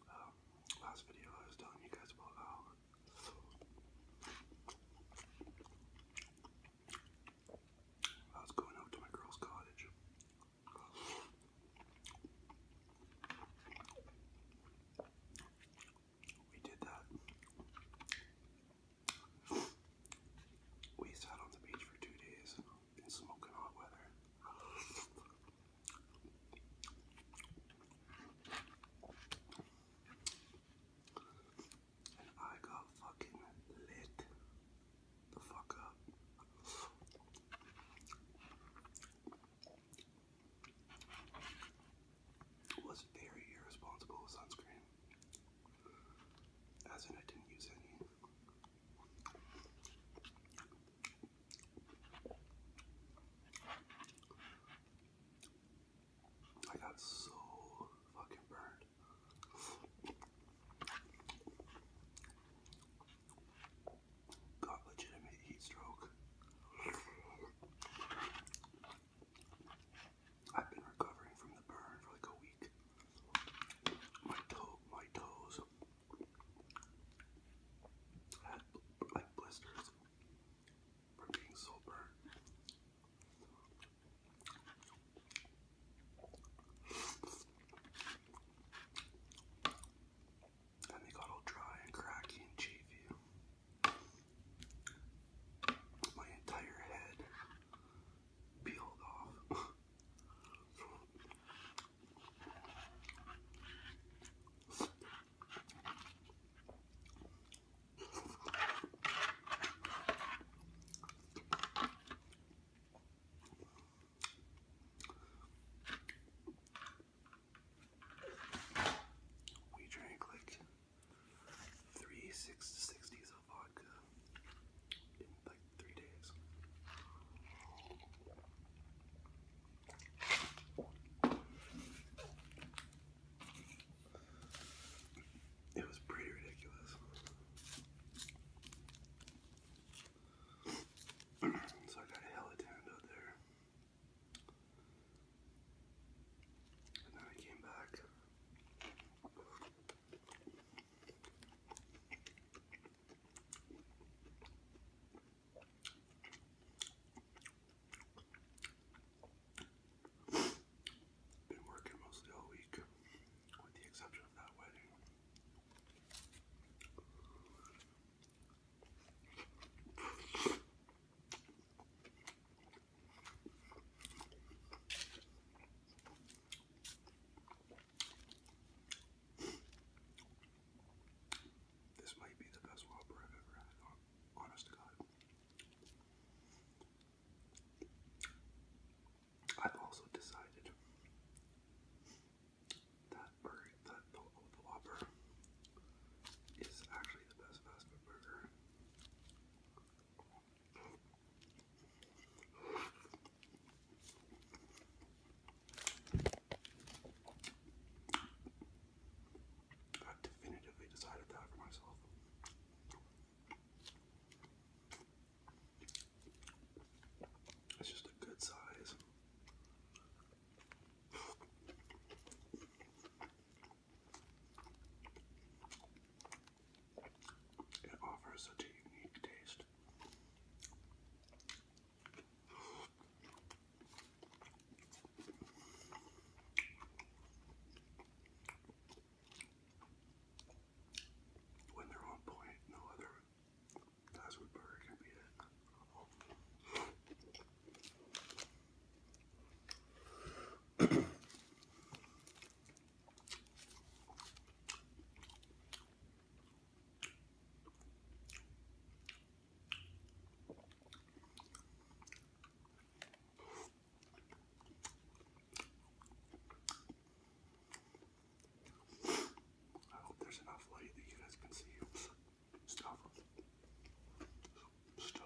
Um, last video I was telling you guys about how um, I was going up to my girl's cottage. We did that. We sat on the beach for two days in smoking hot weather. And I got fucking lit the fuck up was very irresponsible with sunscreen. As in, I didn't use any. I got so fucking burned got legitimate heat stroke. I've been recovering from the burn for like a week. My toe, my toes had like blisters from being so burned. And they got all dry and cracky and cheesy. My entire head peeled off. We drank like three six sixties of vodka in like three days. It was pretty ridiculous. so I got a hella there. And then I came back. Been working mostly all week, with the exception of that wedding. This might be the best Whopper I've ever had, honest God. I've also decided that the, Whopper, is actually the best fast food burger. i definitively decided that for myself. It's just a good size it offers such a unique taste. When they're on point, no other fast food burger can beat I hope there's enough light that you guys can see stuff. Still.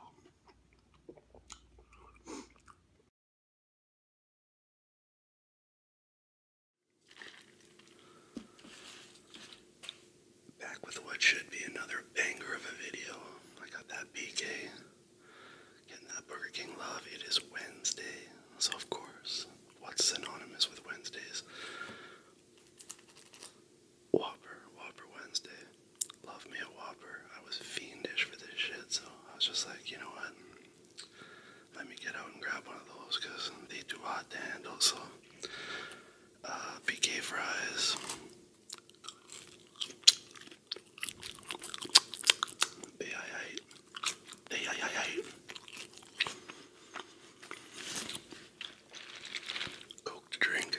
Back with what should be another banger of a video. I got that BK. Getting that Burger King love. It is Wednesday. So, of course, what's synonymous with Wednesdays? Whopper, Whopper Wednesday. Love me a Whopper. I was fiendish for this shit, so I was just like, you know what? Let me get out and grab one of those because they too hot to handle. So, uh, fries. They I hate. They Coke drink.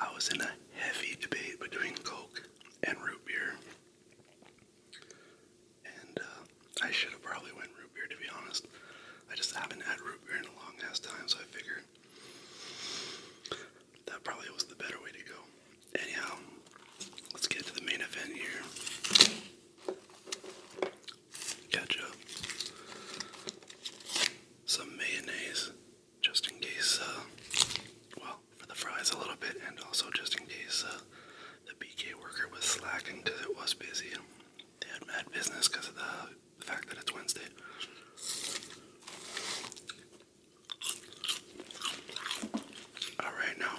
I was in a heavy debate between Coke and root beer. And uh, I should have probably went root beer to be honest. I just haven't had root beer in a long ass time, so I figured that probably was the better way to go. Anyhow, let's get to the main event here ketchup, some mayonnaise, just in case, uh, well, for the fries a little bit, and also just in case uh, the BK worker was slacking because it was busy. And they had mad business because of the, the fact that it's Wednesday. Alright, now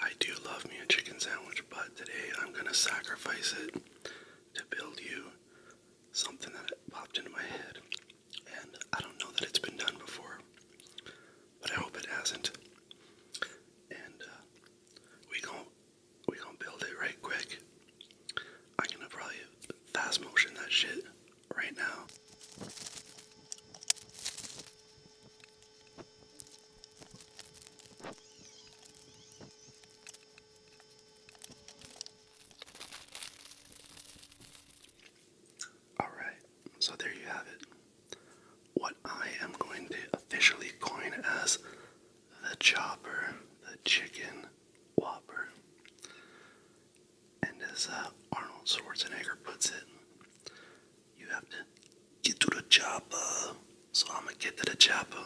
I do love me a chicken sandwich, but today I'm gonna sacrifice it to build you something that popped into my head. And I don't know that it's been done before, but I hope it hasn't. And uh, we gon' we gonna build it right quick. I'm gonna probably fast motion that shit right now. All right, so there you have it. What I am going to officially coin as the chopper, the chicken whopper. And as uh, Arnold Schwarzenegger puts it, you have to get to the chopper. So I'm gonna get to the chopper.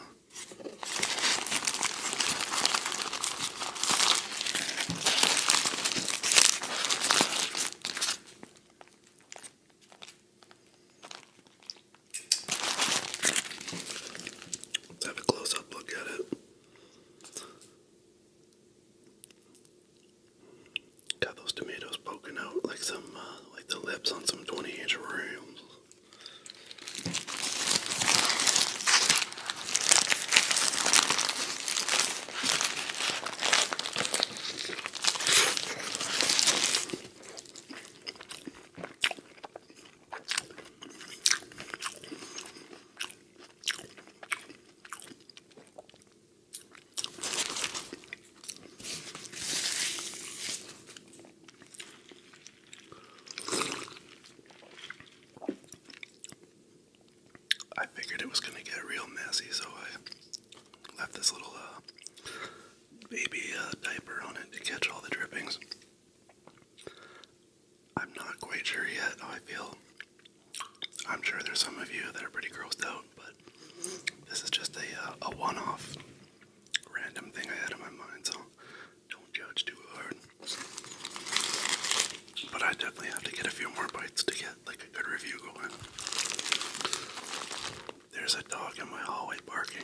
Let's have a close up look at it. Got those tomatoes poking out like some, uh, like the lips on some 20 inch rims. I figured it was gonna get real messy, so I left this little uh, baby uh, diaper on it to catch all the drippings. I'm not quite sure yet how I feel I'm sure there's some of you that are pretty grossed out, but this is just a uh, a one-off random thing I had in my mind, so don't judge too hard. But I definitely have to get a few more bites to get like a good review going. There's a dog in my hallway barking.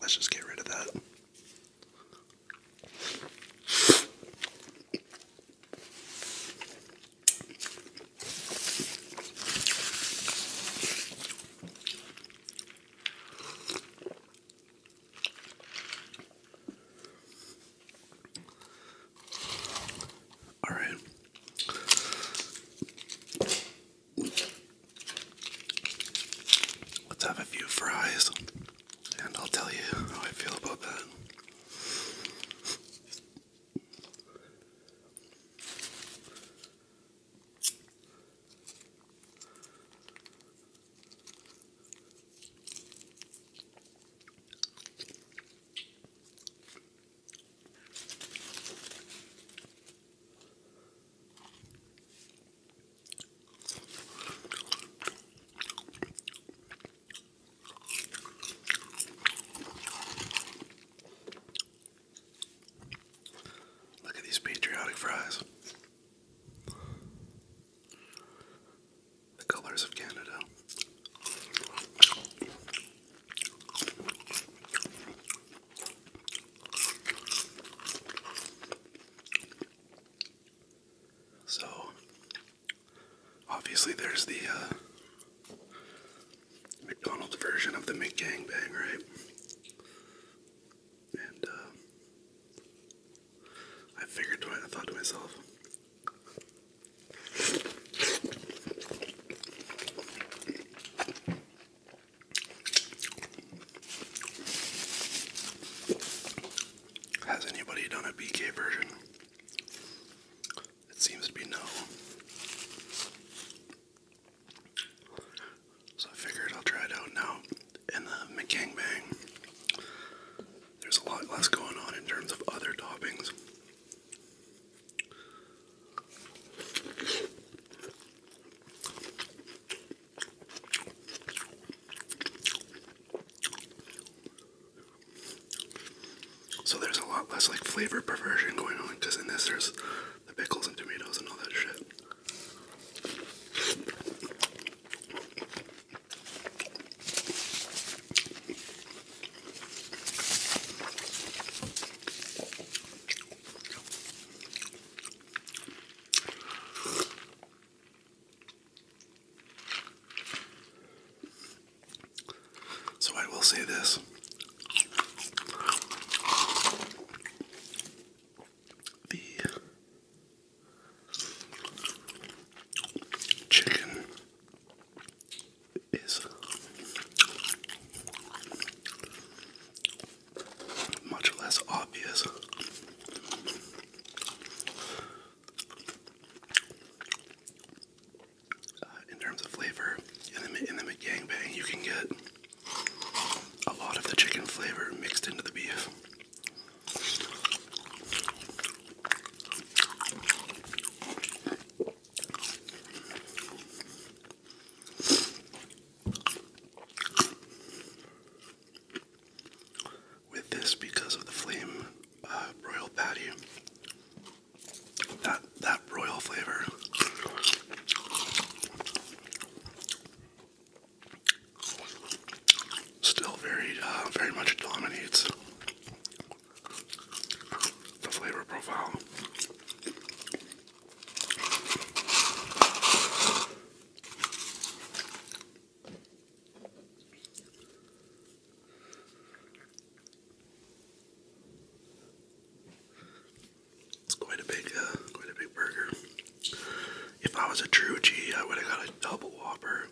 Let's just get rid of that. All right. Let's have a few fries and I'll tell you how I feel about that. Look at these patriotic fries. The colors of Canada. So, obviously, there's the uh, McDonald's version of the McGangbang, right? And uh, I figured, I thought to myself, has anybody done a BK version? It seems to be no. So I figured I'll try it out now. In the Bang, there's a lot less going on in terms of other toppings. So there's a lot less like flavor perversion going on because in this there's the pickles and tomatoes and all that shit. So I will say this. The chicken is much less obvious. Uh, in terms of flavor, in the in the bang, you can get a lot of the chicken flavor mixed into the beef. With this, because of the flame uh, broil patty, that that broil flavor. Still very, uh, very much dominates the flavor profile. It's quite a big, uh, quite a big burger. If I was a true G, I would have got a double whopper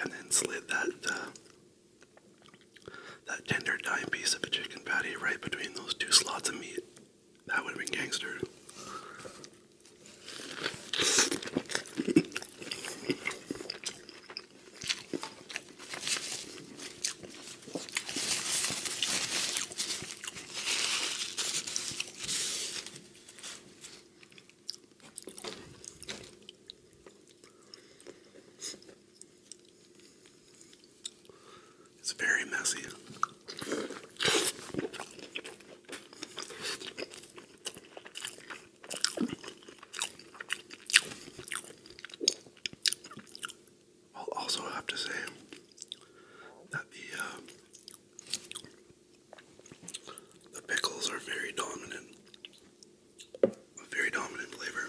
and then slid that uh, that tender, dime piece of a chicken patty right between those two slots of meat. That would have been gangster. It's very messy. I'll also have to say that the uh, the pickles are very dominant, very dominant flavor.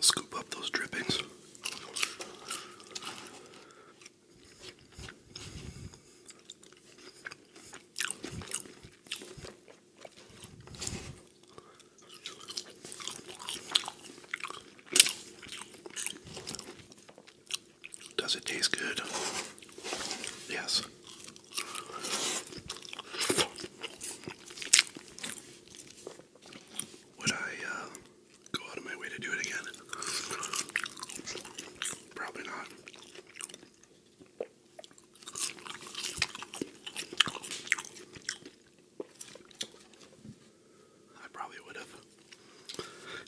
Scoop up those drippings. Does it taste good? Yes. Would I uh, go out of my way to do it again? Probably not. I probably would have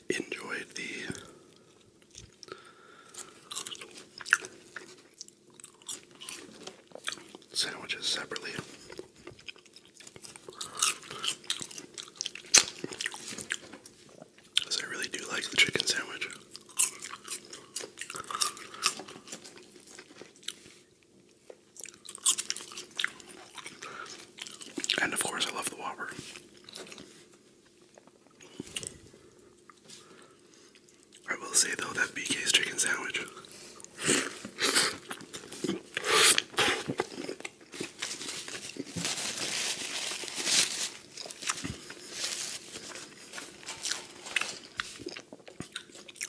enjoyed the sandwiches separately. I really do like the chicken sandwich. And of course, I love the Whopper. I will say though that BK's chicken sandwich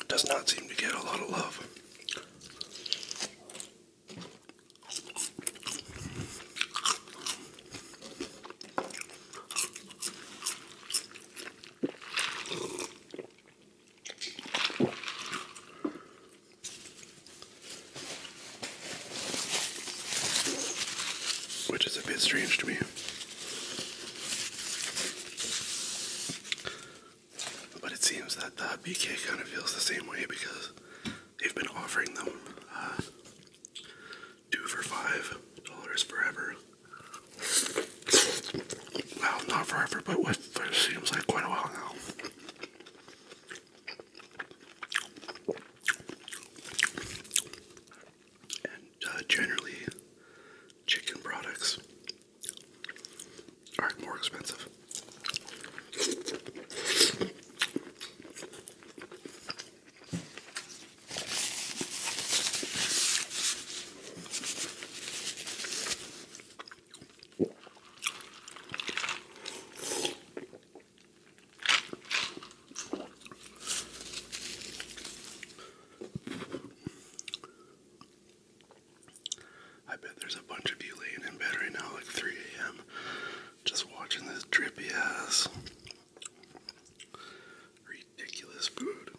does not seem to get a lot of love. Which is a bit strange to me. But it seems that the BK kind of feels the same way because they've been offering them uh, two for five dollars forever. Well, not forever, but it seems like quite a while now. And uh, generally, chicken products are more expensive. I bet there's a bunch of you laying in bed right now, like 3 a.m., just watching this drippy ass ridiculous food.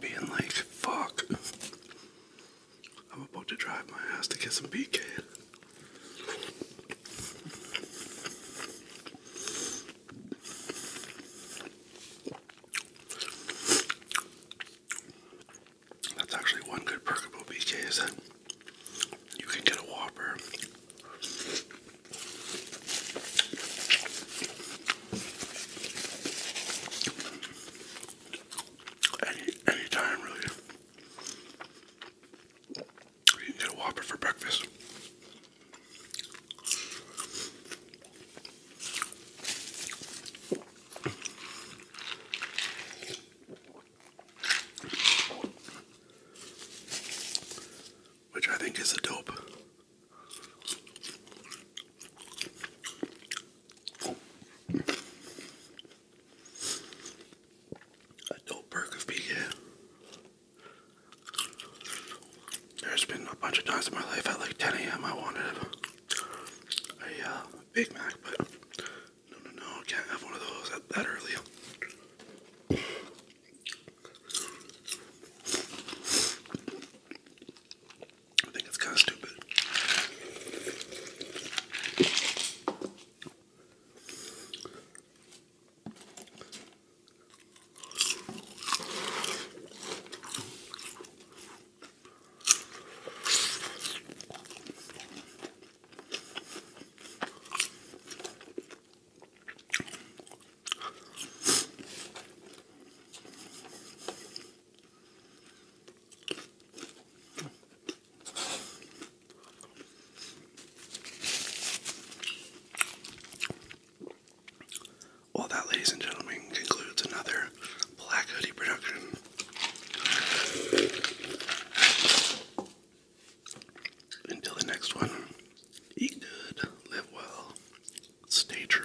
Being like, fuck, I'm about to drive my ass to get some BK. That's actually one good perk about BK is that you can get a Whopper. Any any time really. You get a Whopper for breakfast. Which I think is a dope. A dope perk of being here. There's been a bunch of times in my life at like 10 a.m. I wanted a uh, Big Mac, but no, no, no, can't have one of those at that early. I think it's kind of stupid. Well, that, ladies and gentlemen, concludes another Black Hoodie production. Until the next one, eat good, live well, stay true.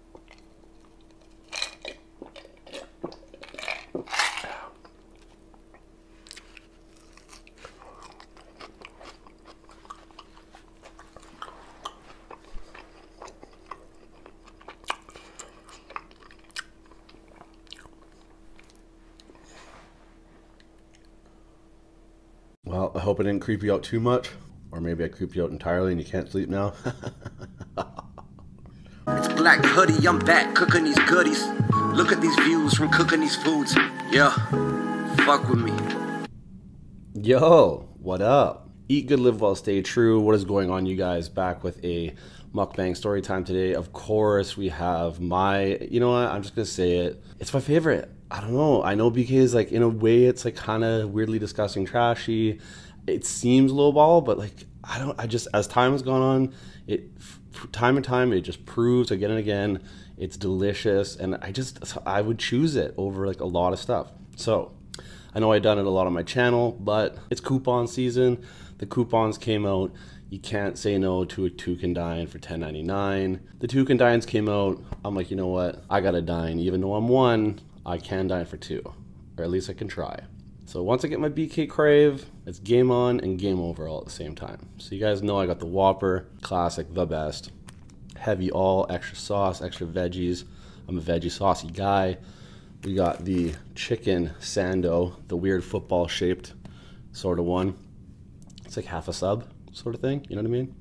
Well, I hope I didn't creep you out too much. Or maybe I creeped you out entirely and you can't sleep now. it's black hoodie, I'm back cooking these goodies. Look at these views from cooking these foods. Yeah, fuck with me. Yo, what up? Eat good, live well, stay true. What is going on, you guys? Back with a mukbang story time today. Of course, we have my, you know what? I'm just going to say it. It's my favorite. I don't know. I know because, like, in a way, it's like kind of weirdly disgusting, trashy it seems lowball, but like I don't. I just as time has gone on, it time and time it just proves again and again it's delicious, and I just I would choose it over like a lot of stuff. So I know I've done it a lot on my channel, but it's coupon season. The coupons came out. You can't say no to a two can dine for 10.99. The two can toucan dines came out. I'm like, you know what? I got a dine, even though I'm one. I can dine for two, or at least I can try. So once I get my BK Crave, it's game on and game over all at the same time. So you guys know I got the Whopper, classic, the best. Heavy all, extra sauce, extra veggies. I'm a veggie saucy guy. We got the chicken sando, the weird football shaped sort of one. It's like half a sub sort of thing, you know what I mean?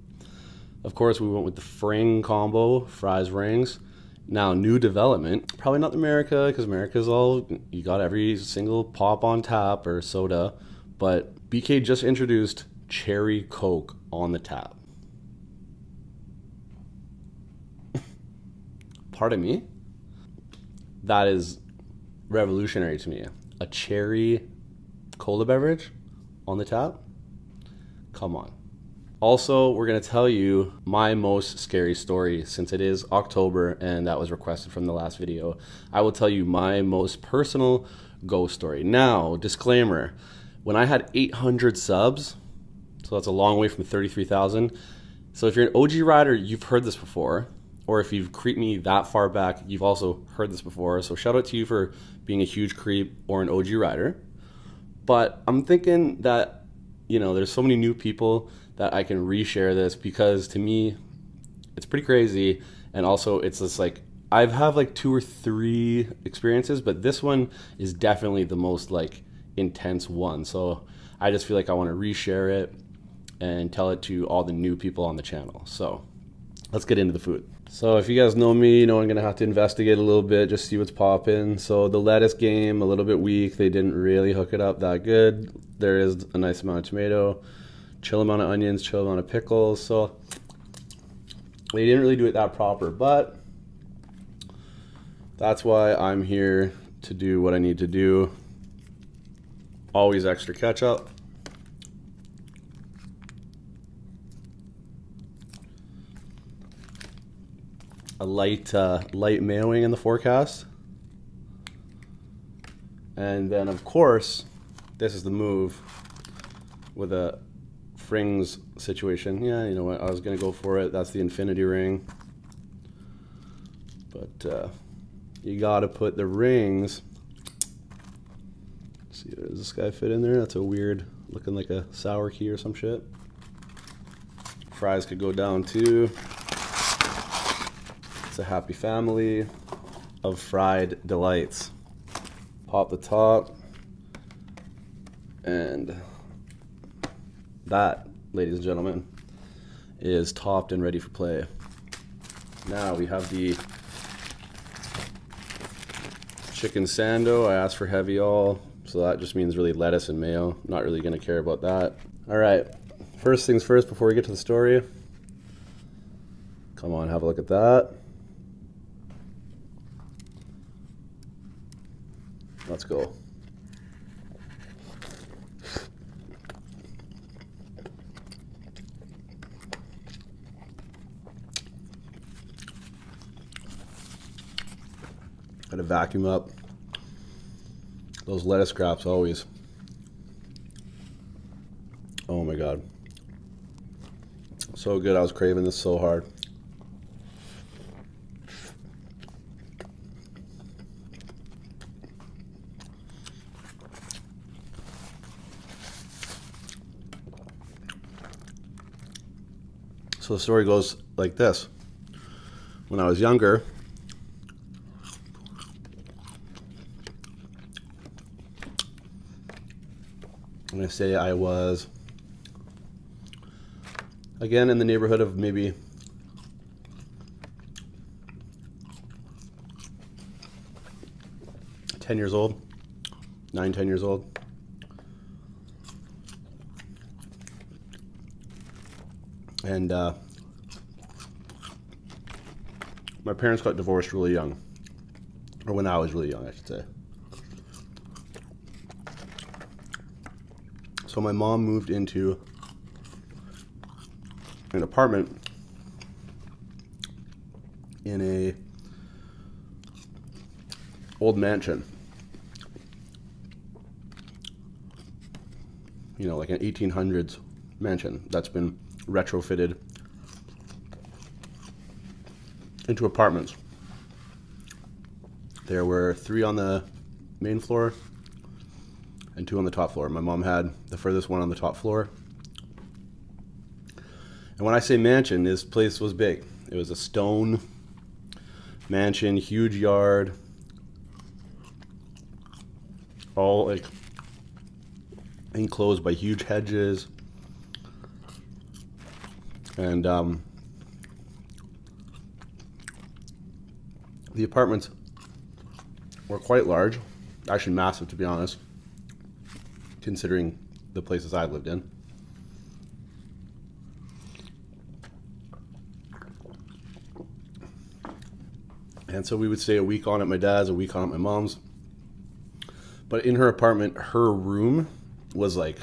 Of course, we went with the fring combo, fries rings. Now, new development, probably not America, because America's all, you got every single pop on tap or soda, but BK just introduced Cherry Coke on the tap. Pardon me? That is revolutionary to me. A cherry cola beverage on the tap? Come on. Also, we're going to tell you my most scary story since it is October and that was requested from the last video. I will tell you my most personal ghost story. Now, disclaimer, when I had 800 subs, so that's a long way from 33,000. So if you're an OG rider, you've heard this before, or if you've creeped me that far back, you've also heard this before. So shout out to you for being a huge creep or an OG rider. But I'm thinking that you know, there's so many new people that I can reshare this because to me, it's pretty crazy. And also, it's just like I've have like two or three experiences, but this one is definitely the most like intense one. So I just feel like I want to reshare it and tell it to all the new people on the channel. So let's get into the food. So if you guys know me, you know I'm gonna have to investigate a little bit, just see what's was popping. So the lettuce game a little bit weak. They didn't really hook it up that good. There is a nice amount of tomato, chill amount of onions, chill amount of pickles. So they didn't really do it that proper, but that's why I'm here to do what I need to do. Always extra ketchup a light uh, light mailing in the forecast. And then of course, this is the move with a Fringe's situation. Yeah, you know what, I was gonna go for it. That's the infinity ring. But uh, you gotta put the rings. see, does this guy fit in there? That's a weird, looking like a sour key or some shit. Fries could go down too. It's a happy family of fried delights. Pop the top. And that, ladies and gentlemen, is topped and ready for play. Now we have the chicken sando. I asked for heavy all. So that just means really lettuce and mayo. Not really gonna care about that. All right, first things first before we get to the story. Come on, have a look at that. Let's go. Gotta vacuum up those lettuce scraps always. Oh my god. So good. I was craving this so hard. So the story goes like this when I was younger. I'm going to say I was, again, in the neighborhood of maybe ten years old, nine, ten years old. And uh, my parents got divorced really young, or when I was really young, I should say. So my mom moved into an apartment in a old mansion you know, like an 1800s mansion that's been retrofitted into apartments. There were three on the main floor and two on the top floor. My mom had the furthest one on the top floor. And when I say mansion, this place was big. It was a stone mansion, huge yard. All like enclosed by huge hedges. And um, the apartments were quite large, actually massive to be honest, considering the places I lived in. And so we would stay a week on at my dad's, a week on at my mom's. But in her apartment, her room was like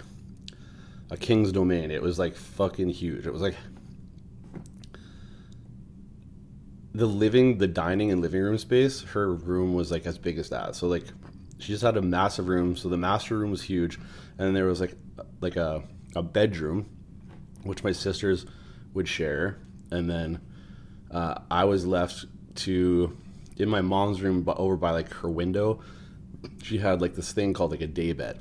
a king's domain. It was like fucking huge. It was like the living, the dining and living room space, her room was like as big as that. So like she just had a massive room. So the master room was huge, and there was like like a a bedroom which my sisters would share. And then uh, I was left to, in my mom's room but over by like her window, she had like this thing called like a day bed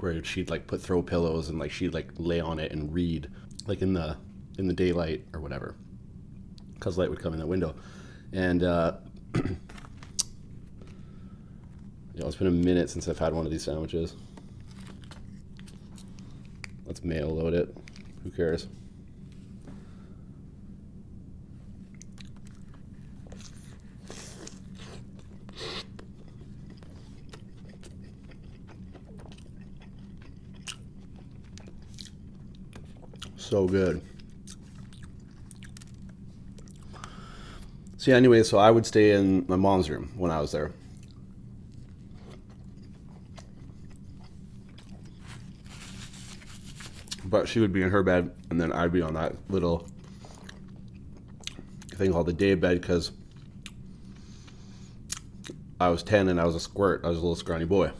where she'd like put throw pillows and like she'd like lay on it and read like in the in the daylight or whatever because light would come in the window and uh Yeah, it's been a minute since I've had one of these sandwiches. Let's mail load it. Who cares? So good. See, anyway, so I would stay in my mom's room when I was there. But she would be in her bed, and then I'd be on that little thing called the day bed because I was 10 and I was a squirt. I was a little scrawny boy.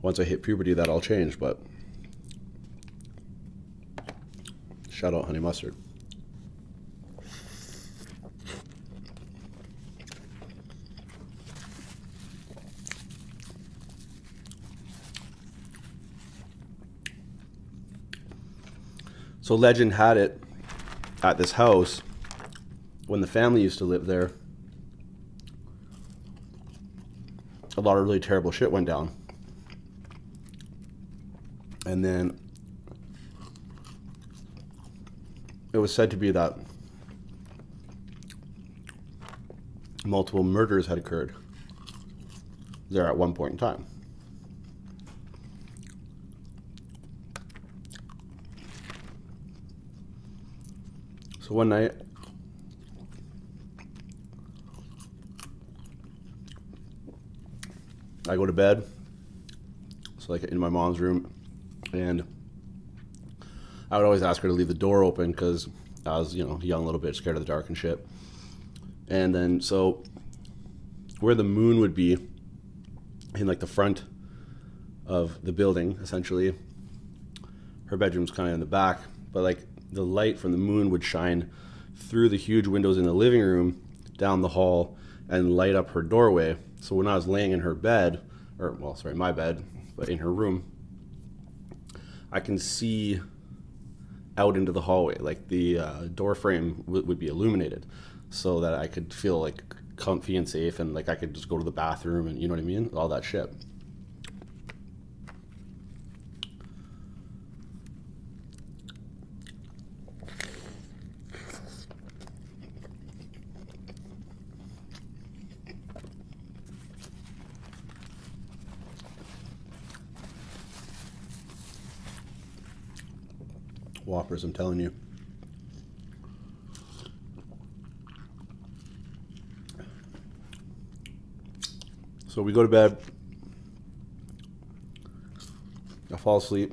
Once I hit puberty, that all changed, but Shout out honey mustard. So legend had it at this house when the family used to live there. A lot of really terrible shit went down. And then it was said to be that multiple murders had occurred there at one point in time. So one night, I go to bed. So like in my mom's room, and I would always ask her to leave the door open because I was you know young little bit scared of the dark and shit. And then so where the moon would be in like the front of the building essentially. Her bedroom's kind of in the back, but like the light from the moon would shine through the huge windows in the living room, down the hall, and light up her doorway. So when I was laying in her bed, or well, sorry, my bed, but in her room, I can see out into the hallway. Like the uh, door frame would be illuminated, so that I could feel like comfy and safe, and like I could just go to the bathroom and you know what I mean, all that shit. Whoppers, I'm telling you. So we go to bed. I fall asleep.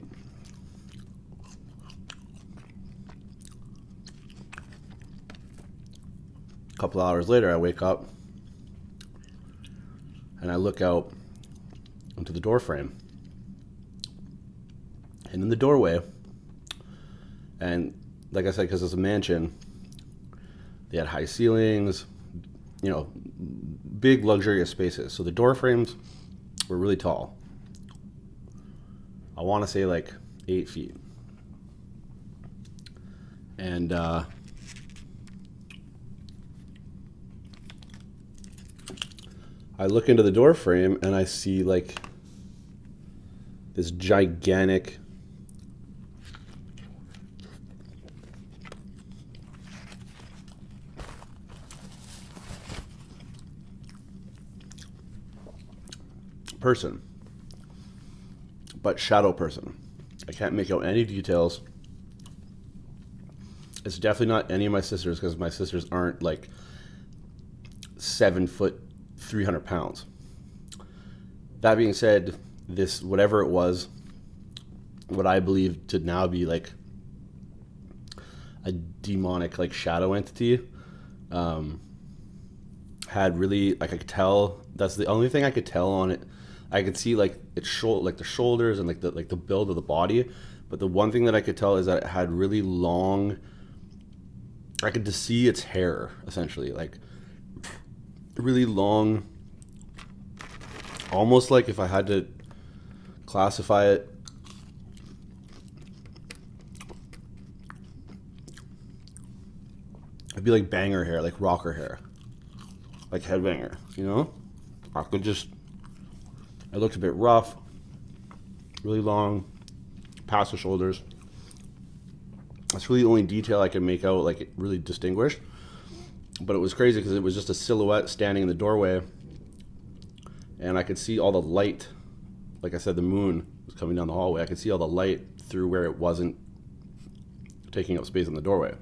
A couple hours later, I wake up and I look out into the doorframe. And in the doorway, and like I said, because it's a mansion, they had high ceilings, you know, big luxurious spaces. So the door frames were really tall. I want to say like eight feet. And uh, I look into the door frame and I see like this gigantic person, but shadow person. I can't make out any details. It's definitely not any of my sisters because my sisters aren't like seven foot, 300 pounds. That being said, this, whatever it was, what I believe to now be like a demonic like shadow entity. Um, had really like I could tell that's the only thing I could tell on it. I could see like its shoulder, like the shoulders and like the like the build of the body, but the one thing that I could tell is that it had really long. I could just see its hair essentially, like really long Almost like if I had to classify it It'd be like banger hair, like rocker hair. Like headbanger, you know? I could just it looked a bit rough, really long, past the shoulders. That's really the only detail I can make out, like really distinguish. But it was crazy because it was just a silhouette standing in the doorway, and I could see all the light. Like I said, the moon was coming down the hallway. I could see all the light through where it wasn't taking up space in the doorway.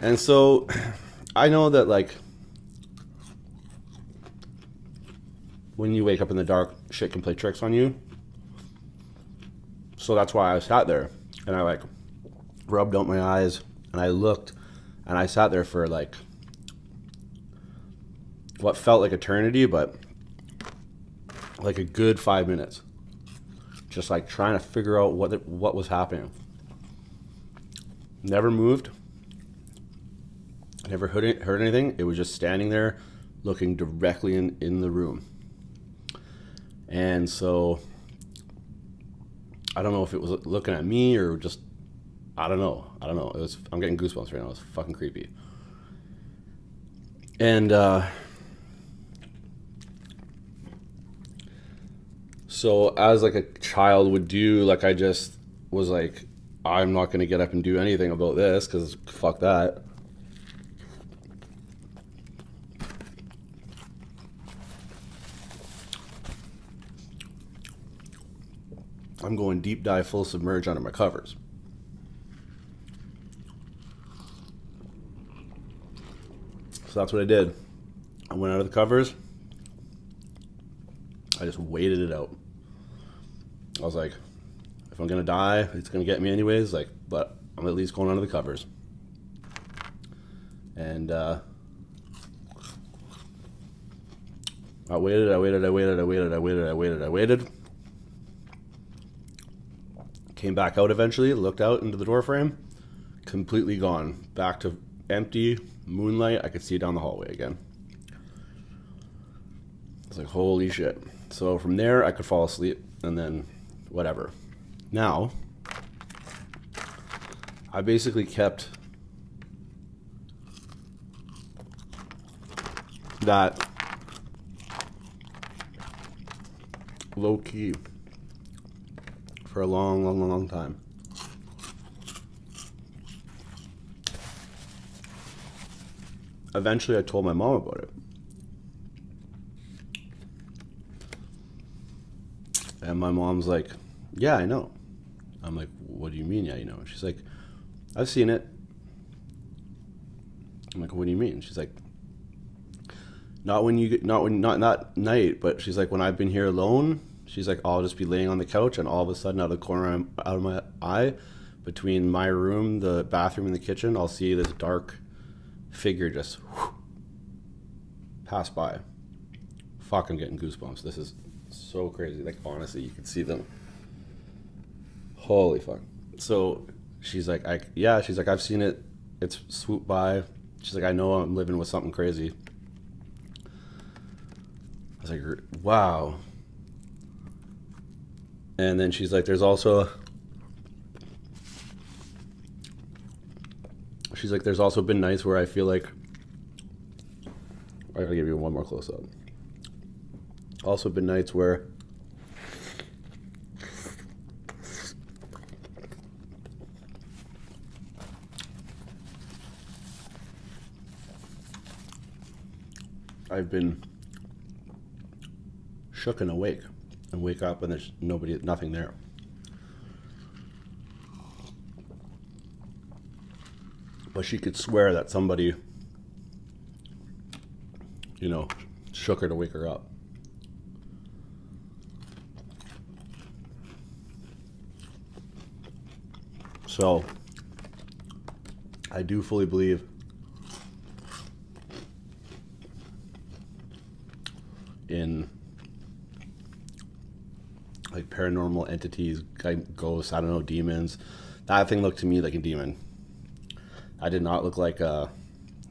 And so I know that like when you wake up in the dark, shit can play tricks on you. So that's why I sat there and I like rubbed out my eyes, and I looked, and I sat there for like what felt like eternity, but like a good five minutes, just like trying to figure out what what was happening. Never moved. Never heard, heard anything. It was just standing there, looking directly in, in the room. And so I don't know if it was looking at me or just I don't know. I don't know. It was I'm getting goosebumps right now. It's fucking creepy. And uh so as like a child would do, like I just was like I'm not going to get up and do anything about this cuz fuck that. I'm going deep dive full submerge under my covers. So that's what I did. I went under the covers. I just waited it out. I was like, if I'm gonna die, it's gonna get me anyways. Like, but I'm at least going under the covers. And uh, I waited, I waited, I waited, I waited, I waited, I waited, I waited. Came back out eventually, looked out into the door frame, completely gone. Back to empty moonlight. I could see down the hallway again. It's like, holy shit. So from there, I could fall asleep and then whatever. Now, I basically kept that low key for a long, long, long time. Eventually, I told my mom about it. And my mom's like, Yeah, I know. I'm like, What do you mean, yeah, you know? She's like, I've seen it. I'm like, What do you mean? She's like, Not when you, not when, not not night, but she's like, When I've been here alone, she's like, I'll just be laying on the couch, and all of a sudden, out of the corner out of my eye, between my room, the bathroom, and the kitchen, I'll see this dark figure just pass by. Fuck, I'm getting goosebumps. This is so crazy. Like, honestly, you can see them. Holy fuck. So she's like, I, yeah, she's like, I've seen it. It's swoop by. She's like, I know I'm living with something crazy. I was like, wow. And then she's like, there's also She's like, there's also been nights where I feel like. I gotta give you one more close up. Also, been nights where. I've been shook and awake and wake up and there's nobody, nothing there. But she could swear that somebody, you know, shook her to wake her up. So, I do fully believe in like paranormal entities, ghosts, I don't know, demons. That thing looked to me like a demon. I did not look like a.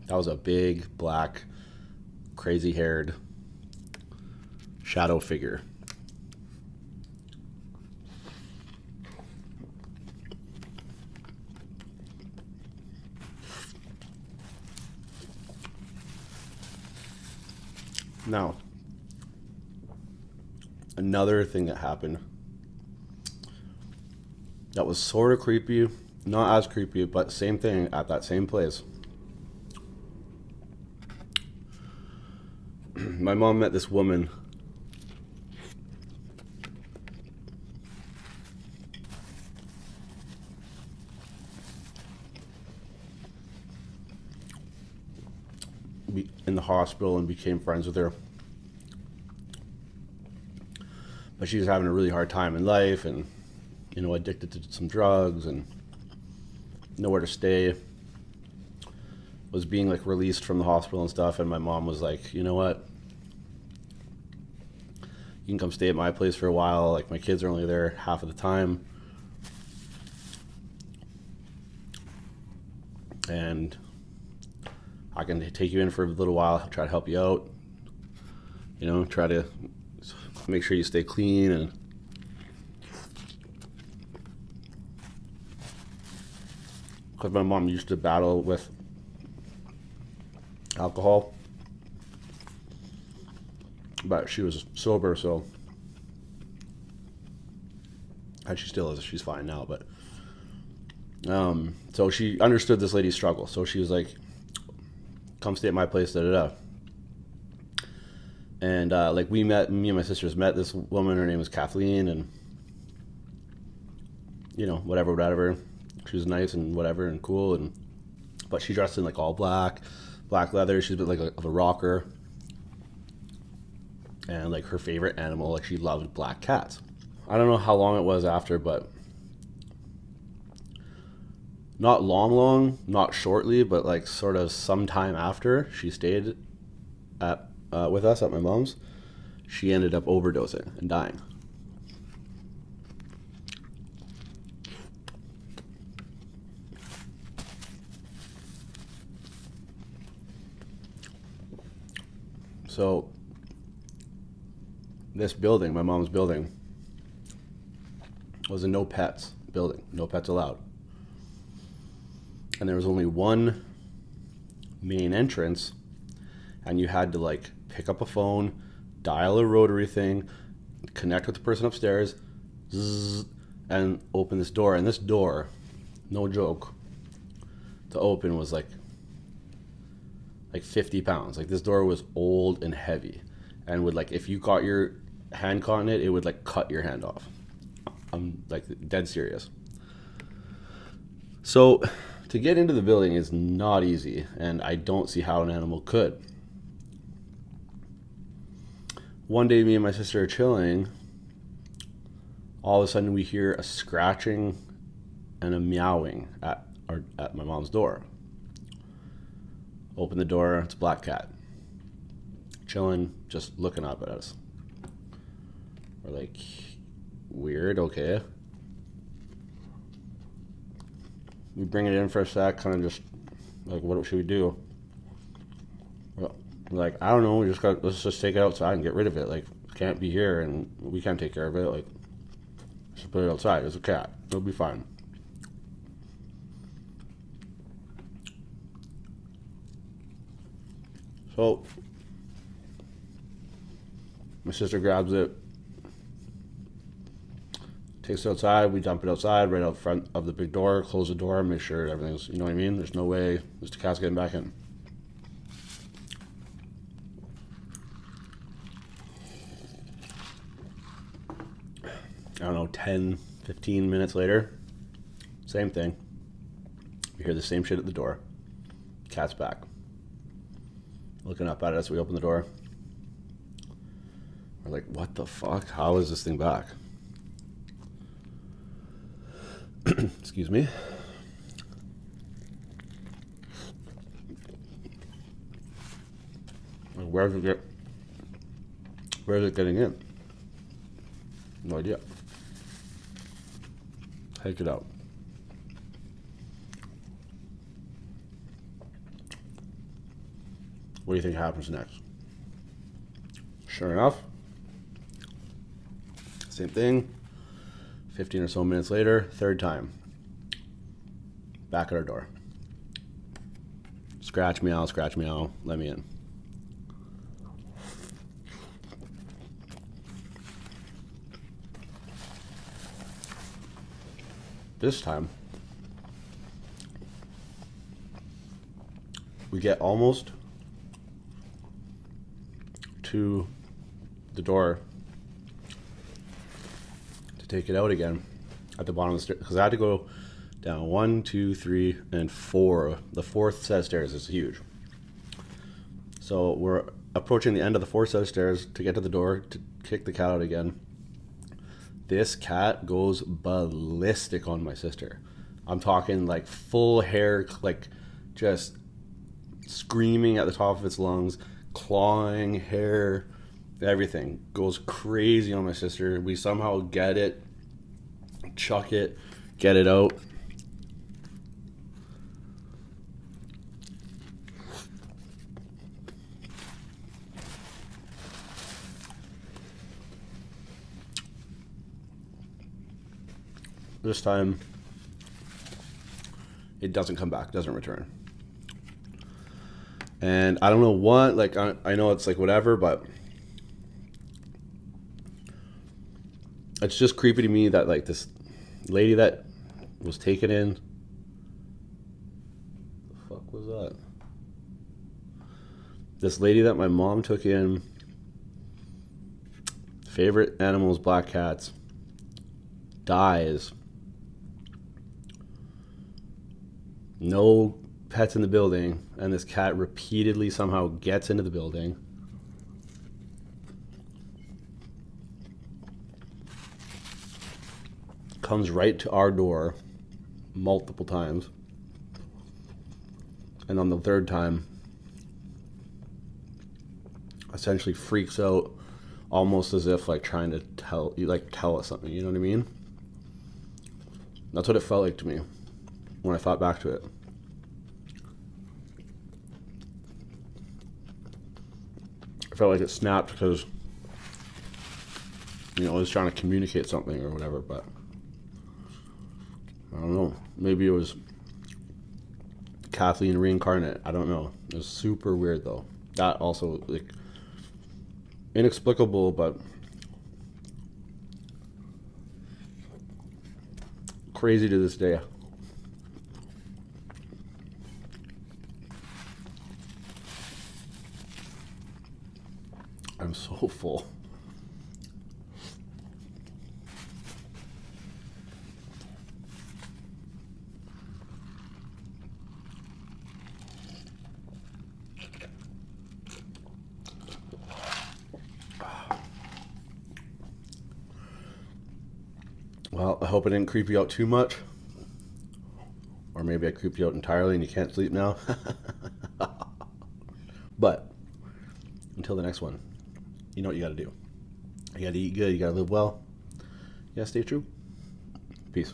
That was a big, black, crazy haired shadow figure. Now, another thing that happened that was sort of creepy, not as creepy, but same thing at that same place. My mom met this woman in the hospital and became friends with her. But she was having a really hard time in life and, you know, addicted to some drugs and nowhere to stay. Was being like released from the hospital and stuff. And my mom was like, you know what? You can come stay at my place for a while. Like, my kids are only there half of the time and I can take you in for a little while, try to help you out, you know, try to make sure you stay clean and because my mom used to battle with alcohol but she was sober, so and she still is. She's fine now, but um, so she understood this lady's struggle. So she was like, "Come stay at my place." Da da da. And uh, like we met, me and my sisters met this woman. Her name was Kathleen, and you know whatever, whatever. She was nice and whatever and cool, and but she dressed in like all black, black leather. She's a bit like of a rocker. And like her favorite animal, like she loved black cats. I don't know how long it was after, but not long, long, not shortly, but like sort of sometime after she stayed at uh, with us at my mom's, she ended up overdosing and dying. So this building, my mom's building, was a no pets building, no pets allowed. And there was only one main entrance, and you had to like pick up a phone, dial a rotary thing, connect with the person upstairs, and open this door. And this door, no joke, to open was like like 50 pounds. Like this door was old and heavy, and would like if you caught your hand caught in it, it would like cut your hand off. I'm like dead serious. So to get into the building is not easy, and I don't see how an animal could. One day, me and my sister are chilling. All of a sudden, we hear a scratching and a meowing at, our, at my mom's door. Open the door, it's a black cat. Chilling, just looking up at us. We're like, weird, okay. We bring it in for a sec, kind of just like, what should we do? like I don't know, we just got let's just take it outside and get rid of it. Like can't be here and we can't take care of it. Like just put it outside. It's a cat. It'll be fine. So my sister grabs it, takes it outside. We dump it outside right out front of the big door, close the door, make sure everything's, you know what I mean? There's no way Mr. cat's getting back in. I don't know, 10, 15 minutes later, same thing. We hear the same shit at the door. Cat's back. Looking up at us, we open the door. We're like, what the fuck? How is this thing back? Excuse me. Where's it Where's it getting in? No idea. Take it out. What do you think happens next? Sure enough, same thing. 15 or so minutes later, third time. Back at our door. Scratch meow, scratch meow, let me in. This time, we get almost to the door to take it out again at the bottom of the stairs because I had to go down one, two, three, and four. The fourth set of stairs is huge. So we're approaching the end of the fourth set of stairs to get to the door to kick the cat out again. This cat goes ballistic on my sister. I'm talking like full hair, like just screaming at the top of its lungs, clawing hair, everything goes crazy on my sister. We somehow get it, chuck it, get it out. This time, it doesn't come back, doesn't return. And I don't know what, like, I, I know it's like whatever, but it's just creepy to me that, like, this lady that was taken in. The fuck was that? This lady that my mom took in, favorite animals, black cats, dies. No pets in the building, and this cat repeatedly somehow gets into the building. Comes right to our door multiple times. And on the third time, essentially freaks out almost as if like trying to tell you like tell us something, you know what I mean? That's what it felt like to me when I thought back to it. I felt like it snapped because you know, it was trying to communicate something or whatever, but I don't know. Maybe it was Kathleen reincarnate. I don't know. It was super weird though. That also like inexplicable, but crazy to this day. I'm so full. Well, I hope I didn't creep you out too much. Or maybe I creeped you out entirely and you can't sleep now. But until the next one, you know what you got to do. You got to eat good. You got to live well. You got to stay true. Peace.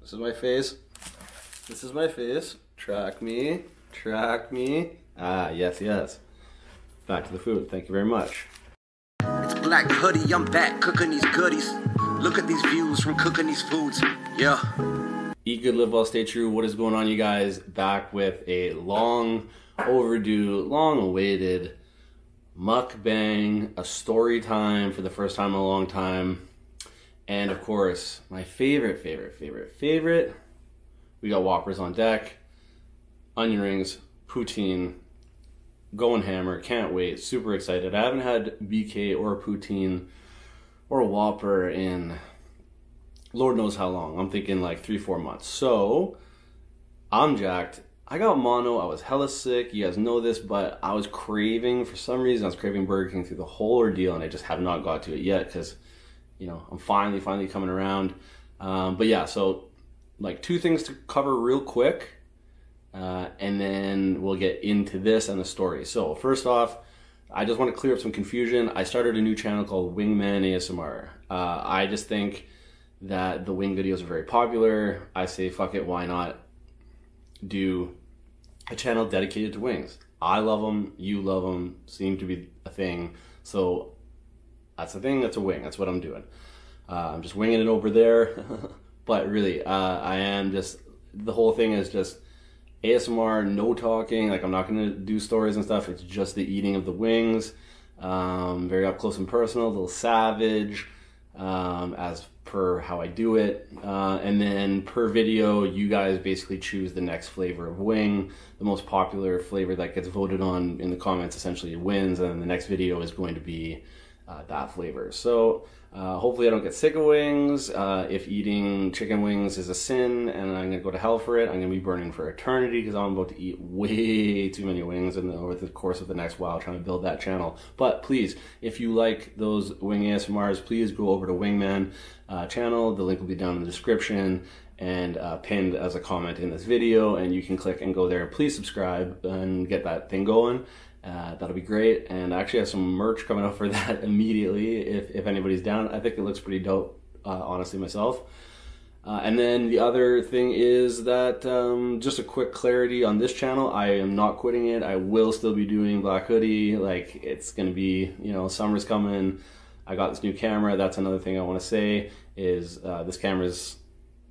This is my face. This is my face. Track me. Track me. Ah, yes, yes. Back to the food. Thank you very much. It's Black Hoodie. I'm back cooking these goodies. Look at these views from cooking these foods. Yeah. Eat good, live well, stay true. What is going on, you guys? Back with a long overdue, long awaited mukbang, a story time for the first time in a long time, and of course, my favorite, favorite, favorite, favorite. We got whoppers on deck, onion rings, poutine, goin' hammer. Can't wait. Super excited. I haven't had BK or poutine or a whopper in Lord knows how long. I'm thinking like three, four months. So I'm jacked. I got mono. I was hella sick. You guys know this, but I was craving, for some reason, I was craving Burger King through the whole ordeal, and I just have not got to it yet because, you know, I'm finally, finally coming around. Um, but yeah, so like two things to cover real quick, uh, and then we'll get into this and the story. So, first off, I just want to clear up some confusion. I started a new channel called Wingman ASMR. Uh, I just think that the wing videos are very popular. I say, fuck it, why not do a channel dedicated to wings? I love them, you love them, seem to be a thing. So that's a thing, that's a wing, that's what I'm doing. Uh, I'm just winging it over there. but really, uh, I am just, the whole thing is just ASMR, no talking. Like, I'm not going to do stories and stuff. It's just the eating of the wings. Um, very up close and personal, a little savage um, as per how I do it. Uh, and then per video, you guys basically choose the next flavor of wing. The most popular flavor that gets voted on in the comments essentially wins, and the next video is going to be uh, that flavor. So uh, hopefully I don't get sick of wings. Uh, if eating chicken wings is a sin and I'm gonna go to hell for it, I'm gonna be burning for eternity because I'm about to eat way too many wings and over the course of the next while trying to build that channel. But please, if you like those wingy SMRs, please go over to Wingman uh, channel. The link will be down in the description and uh, pinned as a comment in this video. And you can click and go there. Please subscribe and get that thing going. Uh, that'll be great. And I actually have some merch coming up for that immediately if, if anybody's down. I think it looks pretty dope, honestly, myself. and then the other thing is that um, just a quick clarity on this channel, I am not quitting it. I will still be doing Black Hoodie. Like, it's going to be, you know, summer's coming. I got this new camera. That's another thing I want to say is uh, this camera is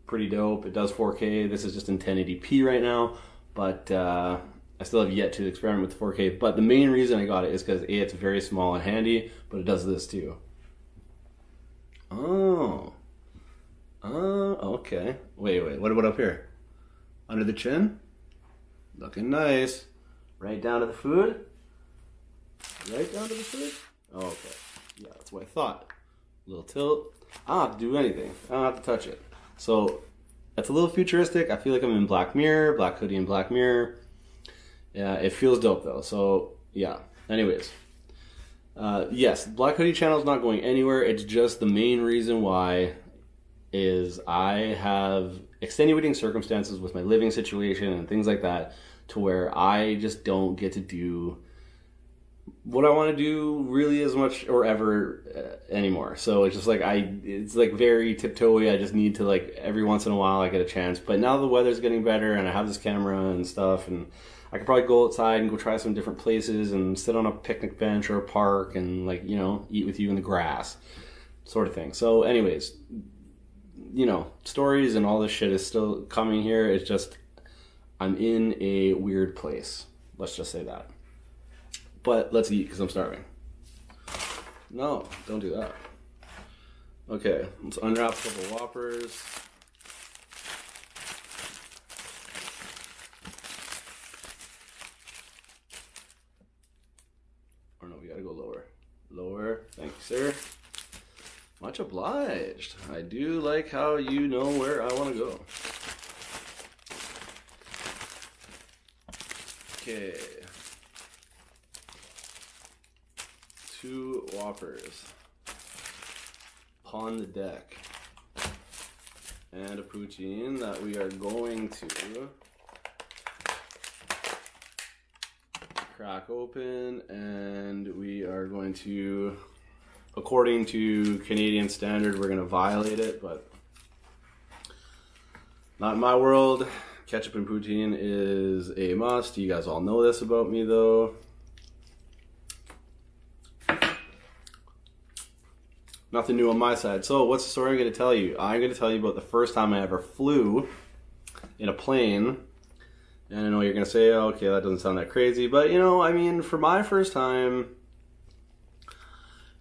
pretty dope. It does 4K. This is just in 1080p right now, but uh, I still have yet to experiment with 4K. But the main reason I got it is because A, it's very small and handy, but it does this too. Oh. Oh, okay. Wait, wait. What about up here? Under the chin? Looking nice. Right down to the food? Right down to the food? Oh, okay. Yeah, that's what I thought. little tilt. I don't have to do anything. I don't have to touch it. So, that's a little futuristic. I feel like I'm in Black Mirror, Black Hoodie and Black Mirror. Yeah, it feels dope though. So, yeah. Anyways. Uh, yes, Black Hoodie channel is not going anywhere. It's just the main reason why is I have extenuating circumstances with my living situation and things like that to where I just don't get to do what I want to do really as much or ever uh, anymore. So it's just like I it's like very tiptoey. I just need to like every once in a while I get a chance. But now the weather's getting better and I have this camera and stuff and I could probably go outside and go try some different places and sit on a picnic bench or a park and like you know eat with you in the grass, sort of thing. So, anyways, you know, stories and all this shit is still coming here. It's just I'm in a weird place. Let's just say that. But let's eat because I'm starving. No, don't do that. Okay, let's unwrap a couple Whoppers. Or no, we gotta go lower. Lower, thanks sir. Much obliged. I do like how you know where I wanna go. Okay. Two whoppers pawn the deck. And a poutine that we are going to crack open and we are going to, according to Canadian standard, we're going to violate it, but not in my world. Ketchup and poutine is a must. You guys all know this about me though. Nothing new on my side. So, what's the story I'm going to tell you? I'm going to tell you about the first time I ever flew in a plane. And I know you're going to say, oh, okay, that doesn't sound that crazy. But, you know, I mean, for my first time,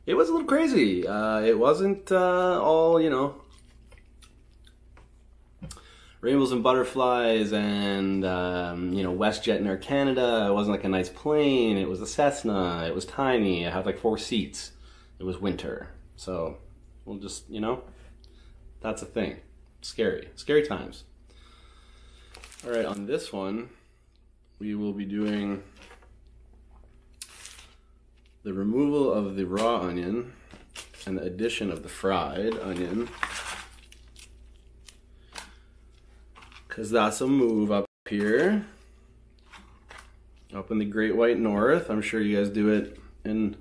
it was a little crazy. Uh, it wasn't uh, all, you know, rainbows and butterflies and, um, you know, WestJet and Air Canada. It wasn't like a nice plane. It was a Cessna. It was tiny. It had like four seats. It was winter. So we'll just, you know, that's a thing. Scary. Scary times. All right, on this one, we will be doing the removal of the raw onion and the addition of the fried onion. Because that's a move up here up in the great white north i'm sure you guys do it in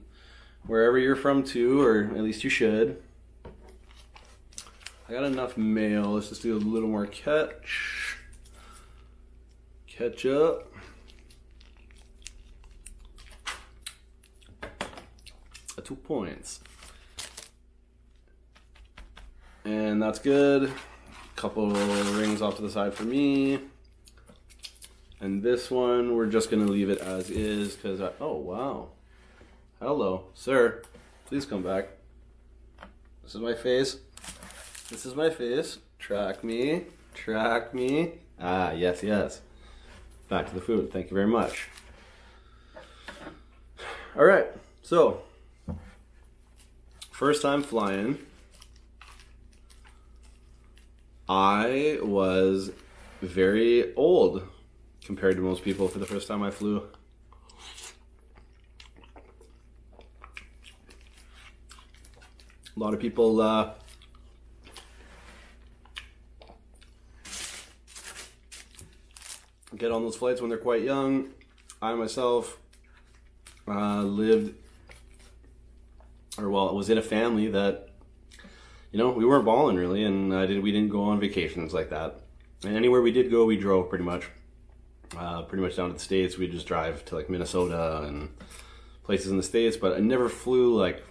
wherever you're from too or at least you should i got enough mail let's just do a little more catch catch up two points and that's good. Couple rings off to the side for me. And this one, we're just gonna leave it as is, cause oh wow. Hello, sir, please come back. This is my face. This is my face. Track me, track me. Ah, yes, yes. Back to the food, thank you very much. All right, so First time flying, I was very old compared to most people for the first time I flew. A lot of people uh, get on those flights when they're quite young. I myself uh, lived, or well, was in a family that, you know, we weren't balling really, and I did, we didn't go on vacations like that. And anywhere we did go, we drove pretty much. Uh, pretty much down to the States, we'd just drive to like Minnesota and places in the States, but I never flew like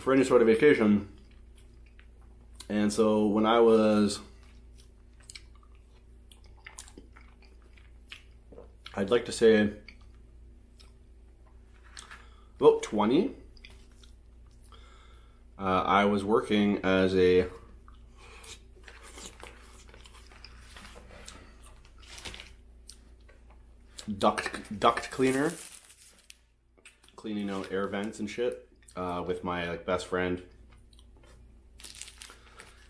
for any sort of vacation. And so when I was, I'd like to say about 20, uh, I was working as a duct duct cleaner cleaning out air vents and shit uh, with my like best friend.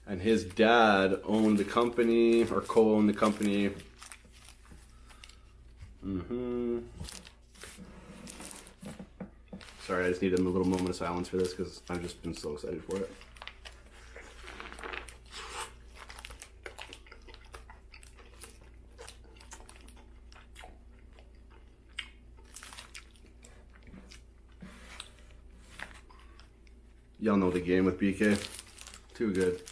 And his dad owned the company or co-owned the company. Mm-hmm. Sorry, I just needed a little moment of silence for this because I've just been so excited for it. Y'all know the game with BK. Too good.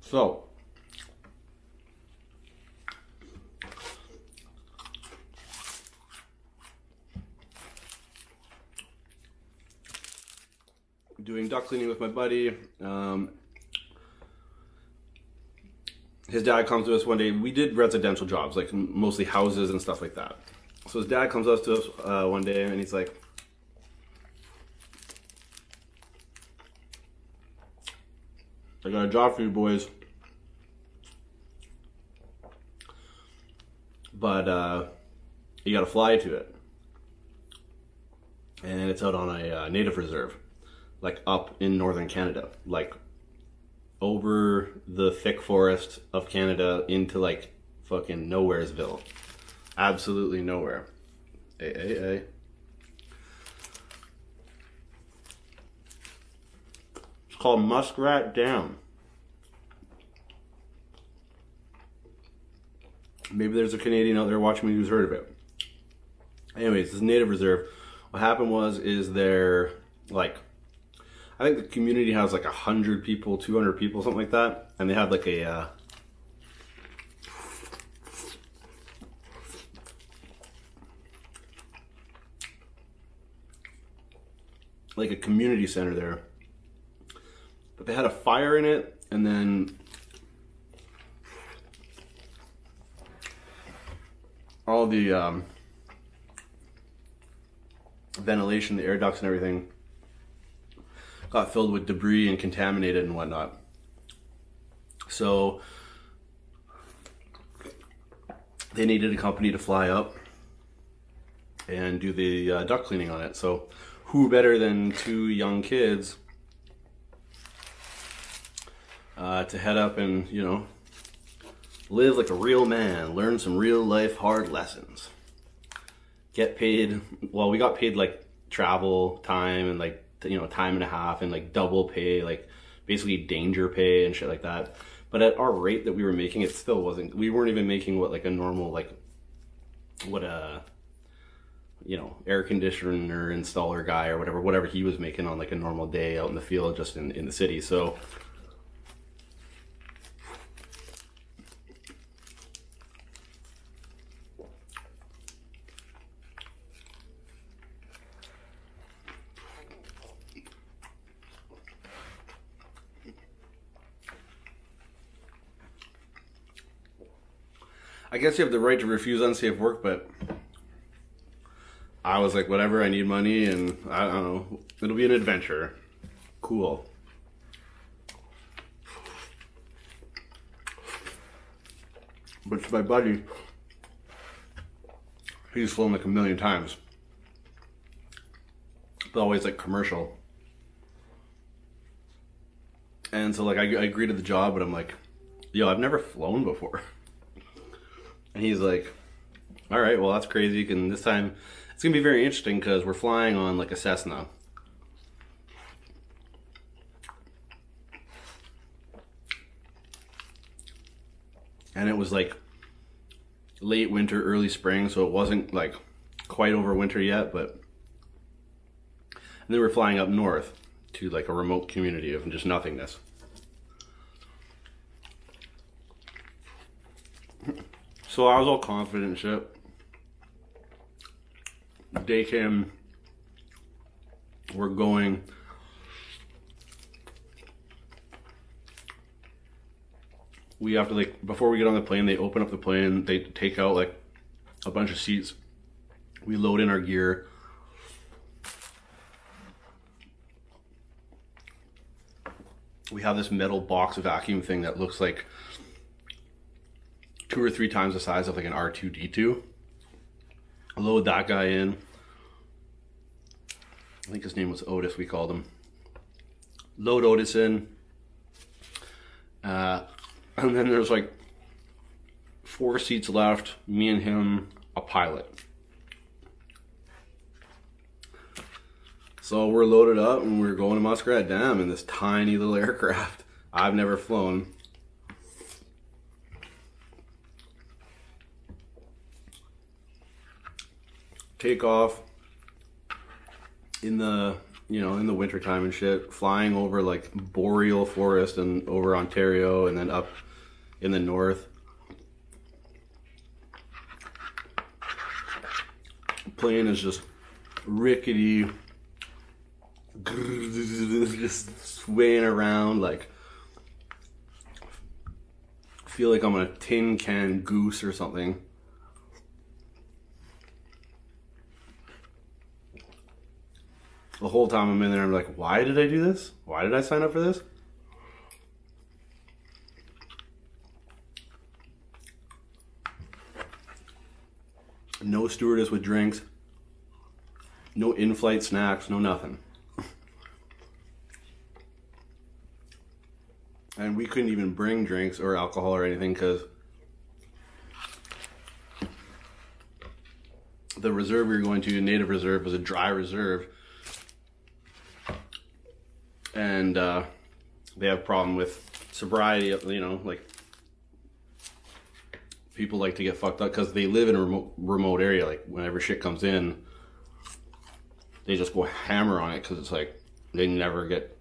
So, doing duck cleaning with my buddy. Um, his dad comes to us one day. We did residential jobs, like mostly houses and stuff like that. So his dad comes up to us uh, one day and he's like, I got a job for you boys but uh, you got to fly to it, and it's out on a uh, native reserve, like up in northern Canada, like over the thick forest of Canada into like fucking nowheresville, absolutely nowhere. A a a. It's called Muskrat Dam. Maybe there's a Canadian out there watching me who's heard of it. Anyways, this native reserve. What happened was, is there like, I think the community has like a hundred people, two hundred people, something like that, and they had like a. Uh, like a community center there but they had a fire in it, and then all the um, ventilation, the air ducts and everything got filled with debris and contaminated and whatnot. So they needed a company to fly up and do the uh, duck cleaning on it. So who better than two young kids uh, to head up and, you know, live like a real man, learn some real life hard lessons. Get paid, well, we got paid like travel time and like, you know, time and a half and like double pay, like basically danger pay and shit like that. But at our rate that we were making, it still wasn't, we weren't even making what like a normal like what a you know air conditioner installer guy or whatever whatever he was making on like a normal day out in the field just in, in the city so I guess you have the right to refuse unsafe work, but I was like, whatever, I need money, and I don't know, it'll be an adventure. Cool. But my buddy, he's flown like a million times. But always like commercial. And so like I, agreed to the job, but I'm like, yo, I've never flown before. And he's like, all right, well that's crazy. You can this time it's gonna be very interesting because we're flying on like a Cessna. And it was like late winter, early spring, so it wasn't like quite over winter yet, but and then we're flying up north to like a remote community of just nothingness. So I was all confident shit. Day came. We're going we have to like before we get on the plane they open up the plane they take out like a bunch of seats we load in our gear we have this metal box vacuum thing that looks like two or three times the size of like an r2d2 load that guy in i think his name was otis we called him load Otis in. Uh, and then there's like four seats left, me and him, a pilot. So we're loaded up and we're going to Muskrat Dam in this tiny little aircraft. I've never flown. Take off, in the you know in the wintertime and shit flying over like boreal forest and over ontario and then up in the north plane is just rickety just swaying around like feel like i'm a tin can goose or something the whole time I'm in there, I'm like, why did I do this? Why did I sign up for this? No stewardess with drinks, no in flight snacks, no nothing. and we couldn't even bring drinks or alcohol or anything because the reserve you're going to, native reserve, is a dry reserve. And uh, they have a problem with sobriety, you know, like people like to get fucked up because they live in a remote area. Like whenever shit comes in, they just go hammer on it because it's like they never get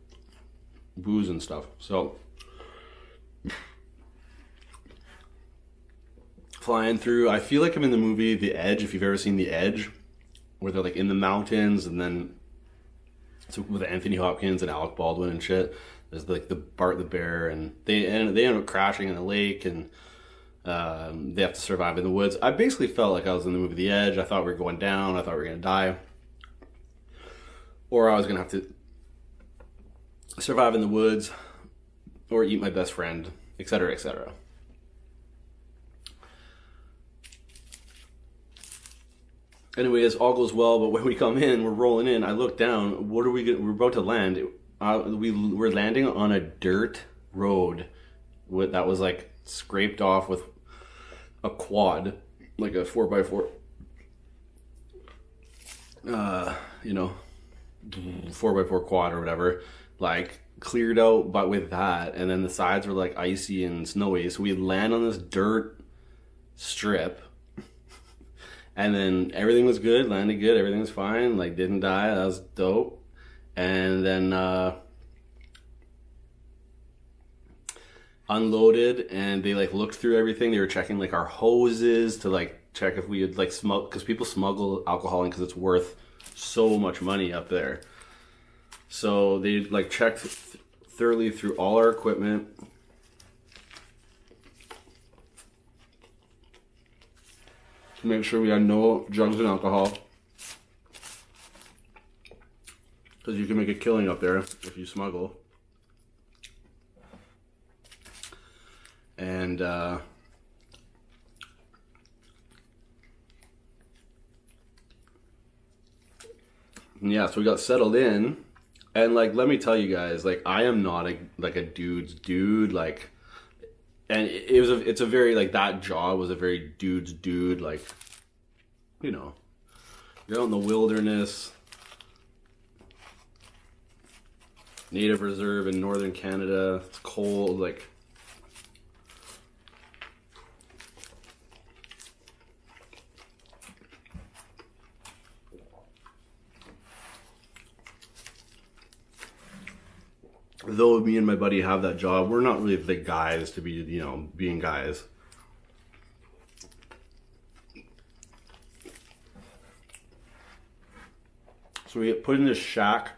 booze and stuff. So flying through, I feel like I'm in the movie The Edge. If you've ever seen The Edge, where they're like in the mountains and then it's with Anthony Hopkins and Alec Baldwin and shit. There's like the Bart the bear, and they and they end up crashing in the lake and. Um, they have to survive in the woods. I basically felt like I was in the movie The Edge. I thought we are going down. I thought we are going to die. Or I was gonna have to survive in the woods or eat my best friend, etc., etc. Anyway, as all goes well, but when we come in, we're rolling in. I look down. What are we? Gonna, we're about to land. Uh, we we're landing on a dirt road that was like scraped off with a quad, like a four by four uh, you know, four by four quad or whatever, like cleared out but with that and then the sides were like icy and snowy so we land on this dirt strip and then everything was good landed good Everything's fine like didn't die that was dope and then uh unloaded and they like looked through everything. They were checking like our hoses to like check if we had like smuggle because people smuggle alcohol in because it's worth so much money up there. So they like checked thoroughly through all our equipment. To make sure we had no drugs and alcohol. Because you can make a killing up there if you smuggle. And uh, yeah, so we got settled in. And like let me tell you guys, like I am not a like a dude's dude, like and it was a, it's a very like that jaw was a very dude's dude like you know you're out in the wilderness, native reserve in northern Canada. It's cold, like. Though me and my buddy have that job, we're not really the guys to be, you know, being guys. So we put in this shack,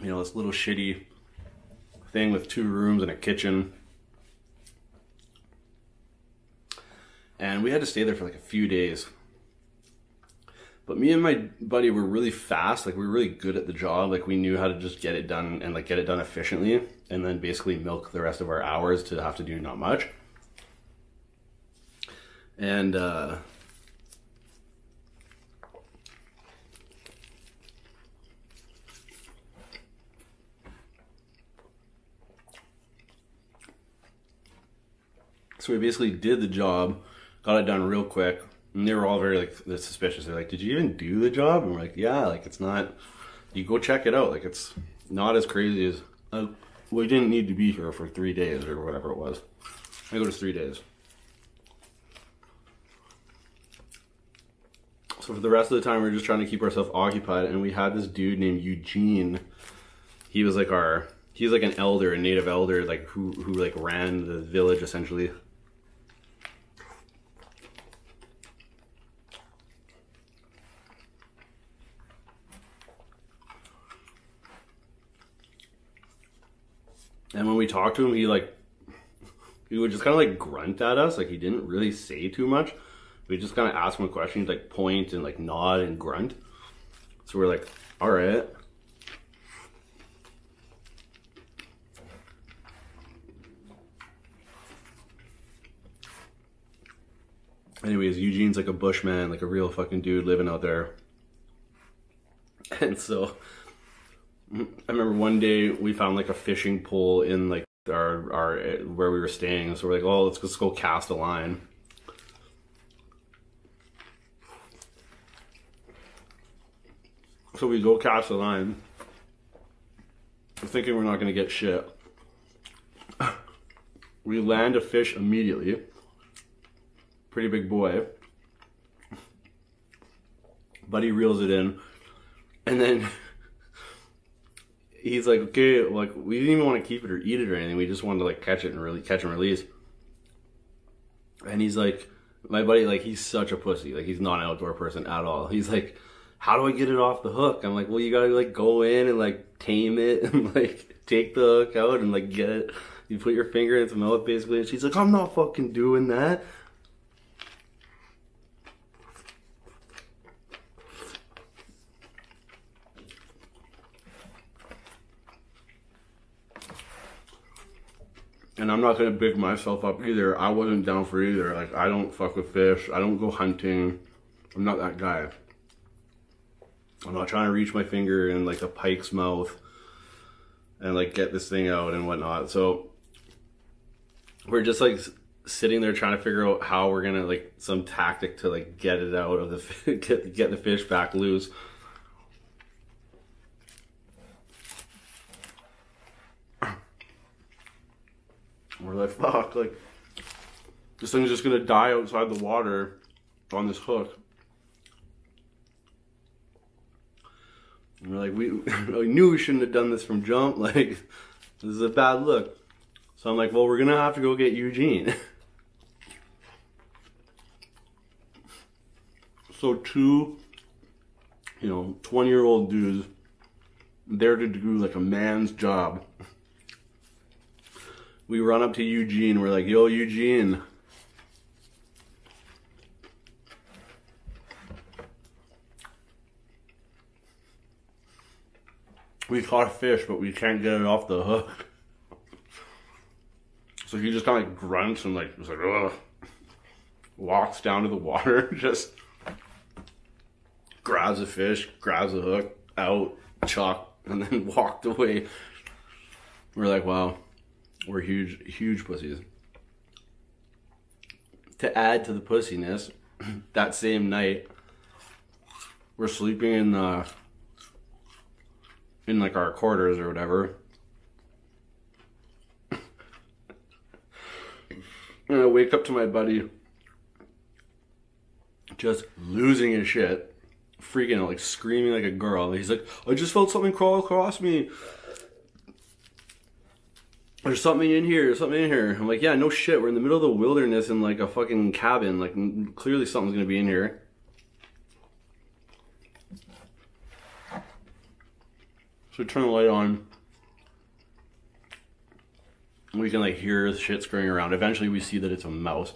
you know, this little shitty thing with two rooms and a kitchen. And we had to stay there for like a few days. But me and my buddy were really fast, like we were really good at the job, like we knew how to just get it done and like get it done efficiently and then basically milk the rest of our hours to have to do not much. And uh, so we basically did the job, got it done real quick. And they were all very like suspicious. They're like, "Did you even do the job?" And we're like, "Yeah, like it's not. You go check it out. Like it's not as crazy as uh, we didn't need to be here for three days or whatever it was. I think it was three days. So for the rest of the time, we are just trying to keep ourselves occupied, and we had this dude named Eugene. He was like our, he's like an elder, a native elder, like who who like ran the village essentially. And when we talked to him, he like he would just kind of like grunt at us. Like he didn't really say too much. We just kind of asked him questions. like point and like nod and grunt. So we're like, all right anyways, Eugene's like a bushman, like a real fucking dude living out there. And so I remember one day we found like a fishing pole in like our our where we were staying. So we're like, oh, let's just go cast a line. So we go cast a line, we're thinking we're not gonna get shit. we land a fish immediately. Pretty big boy. Buddy reels it in. And then he's like, okay, like we didn't even want to keep it or eat it or anything. We just wanted to like catch it and really catch and release. And he's like, my buddy, like he's such a pussy. Like he's not an outdoor person at all. He's like, how do I get it off the hook? I'm like, well, you gotta like go in and like tame it and like take the hook out and like get it. You put your finger in its mouth basically, and she's like, I'm not fucking doing that. and I'm not gonna big myself up either. I wasn't down for either. Like I don't fuck with fish. I don't go hunting. I'm not that guy. I'm not trying to reach my finger in like a pike's mouth and like get this thing out and whatnot. So we're just like sitting there trying to figure out how we're gonna like some tactic to like get it out of the get, the fish back loose. We're like, fuck, like, this thing's just gonna die outside the water on this hook. we're like, we, we knew we shouldn't have done this from jump. Like, this is a bad look. So I'm like, well, we're gonna have to go get Eugene. so two, you know, 20 year old dudes there to do like a man's job. We run up to Eugene. We're like, yo, Eugene. We caught a fish, but we can't get it off the hook. So he just kind of grunts and like, was like, walks down to the water, just grabs a fish, grabs a hook, out, chuck, and then walked away. We're like, wow, we're huge, huge pussies. To add to the pussiness, that same night, we're sleeping in the uh, in like our quarters or whatever. and I wake up to my buddy just losing his shit, freaking out, like screaming like a girl. He's like, I just felt something crawl across me. There's something in here, there's something in here. I'm like, yeah, no shit. We're in the middle of the wilderness in like a fucking cabin. Like, clearly something's gonna be in here. So turn the light on. We can like hear shit scurrying around. Eventually we see that it's a mouse.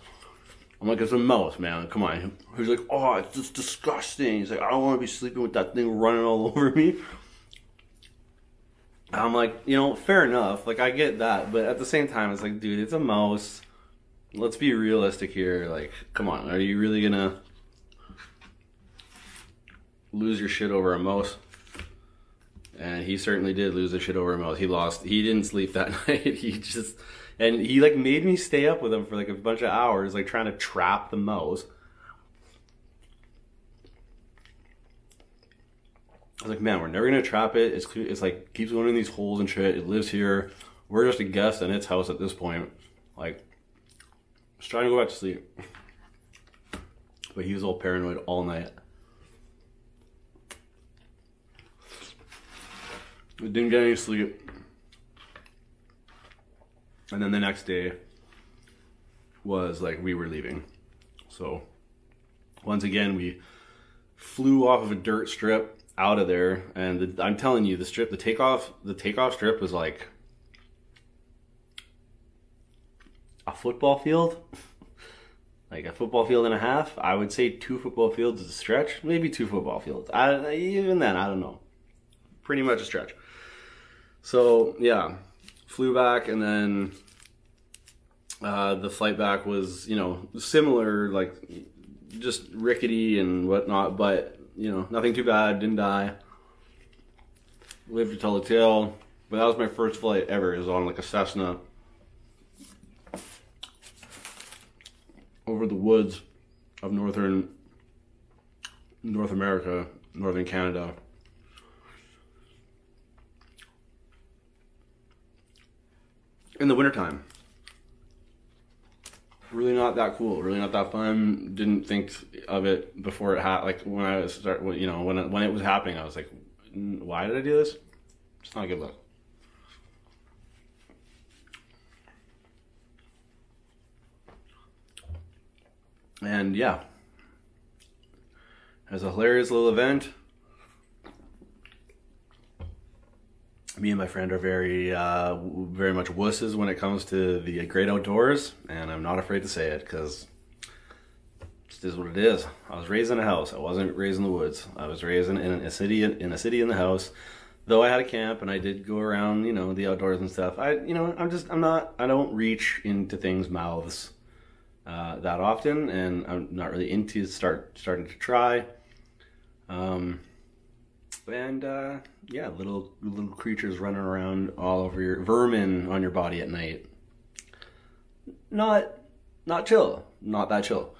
I'm like, it's a mouse, man. Come on. He's like, oh, it's just disgusting. He's like, I don't want to be sleeping with that thing running all over me. I'm like, you know, fair enough. Like, I get that. But at the same time, it's like, dude, it's a mouse. Let's be realistic here. Like, come on. Are you really going to lose your shit over a mouse? and he certainly did lose his shit over a mouth. He lost. He didn't sleep that night. he just and he like made me stay up with him for like a bunch of hours, like trying to trap the mouse. I was like, man, we're never gonna trap it. It's it's like keeps going in these holes and shit. It lives here. We're just a guest in its house at this point. Like, just trying to go back to sleep. But he was all paranoid all night. We didn't get any sleep. And then the next day was like we were leaving. So once again, we flew off of a dirt strip out of there. And I'm telling you, the strip, the takeoff, the takeoff strip was like a football field. like a football field and a half. I would say two football fields is a stretch. Maybe two football fields. I, even then, I don't know. Pretty much a stretch. So yeah, flew back and then uh, the flight back was you know similar, like just rickety and whatnot, but you know nothing too bad. Didn't die. Lived to tell the tale. But that was my first flight ever. Is on like a Cessna over the woods of northern North America, northern Canada. In the wintertime. Really not that cool, really not that fun. Didn't think of it before it happened. Like when I was start, you know, when it, when it was happening, I was like, why did I do this? It's not a good look. And yeah, it was a hilarious little event. Me and my friend are very, uh, very much wusses when it comes to the great outdoors, and I'm not afraid to say it because it is what it is. I was raised in a house. I wasn't raised in the woods. I was raised in, a city in a city in the house. Though I had a camp and I did go around, you know, the outdoors and stuff. I, you know, I'm just I'm not I don't reach into things mouths uh, that often, and I'm not really into start starting to try. Um, and uh, yeah, little little creatures running around all over your vermin on your body at night. Not not chill. Not that chill.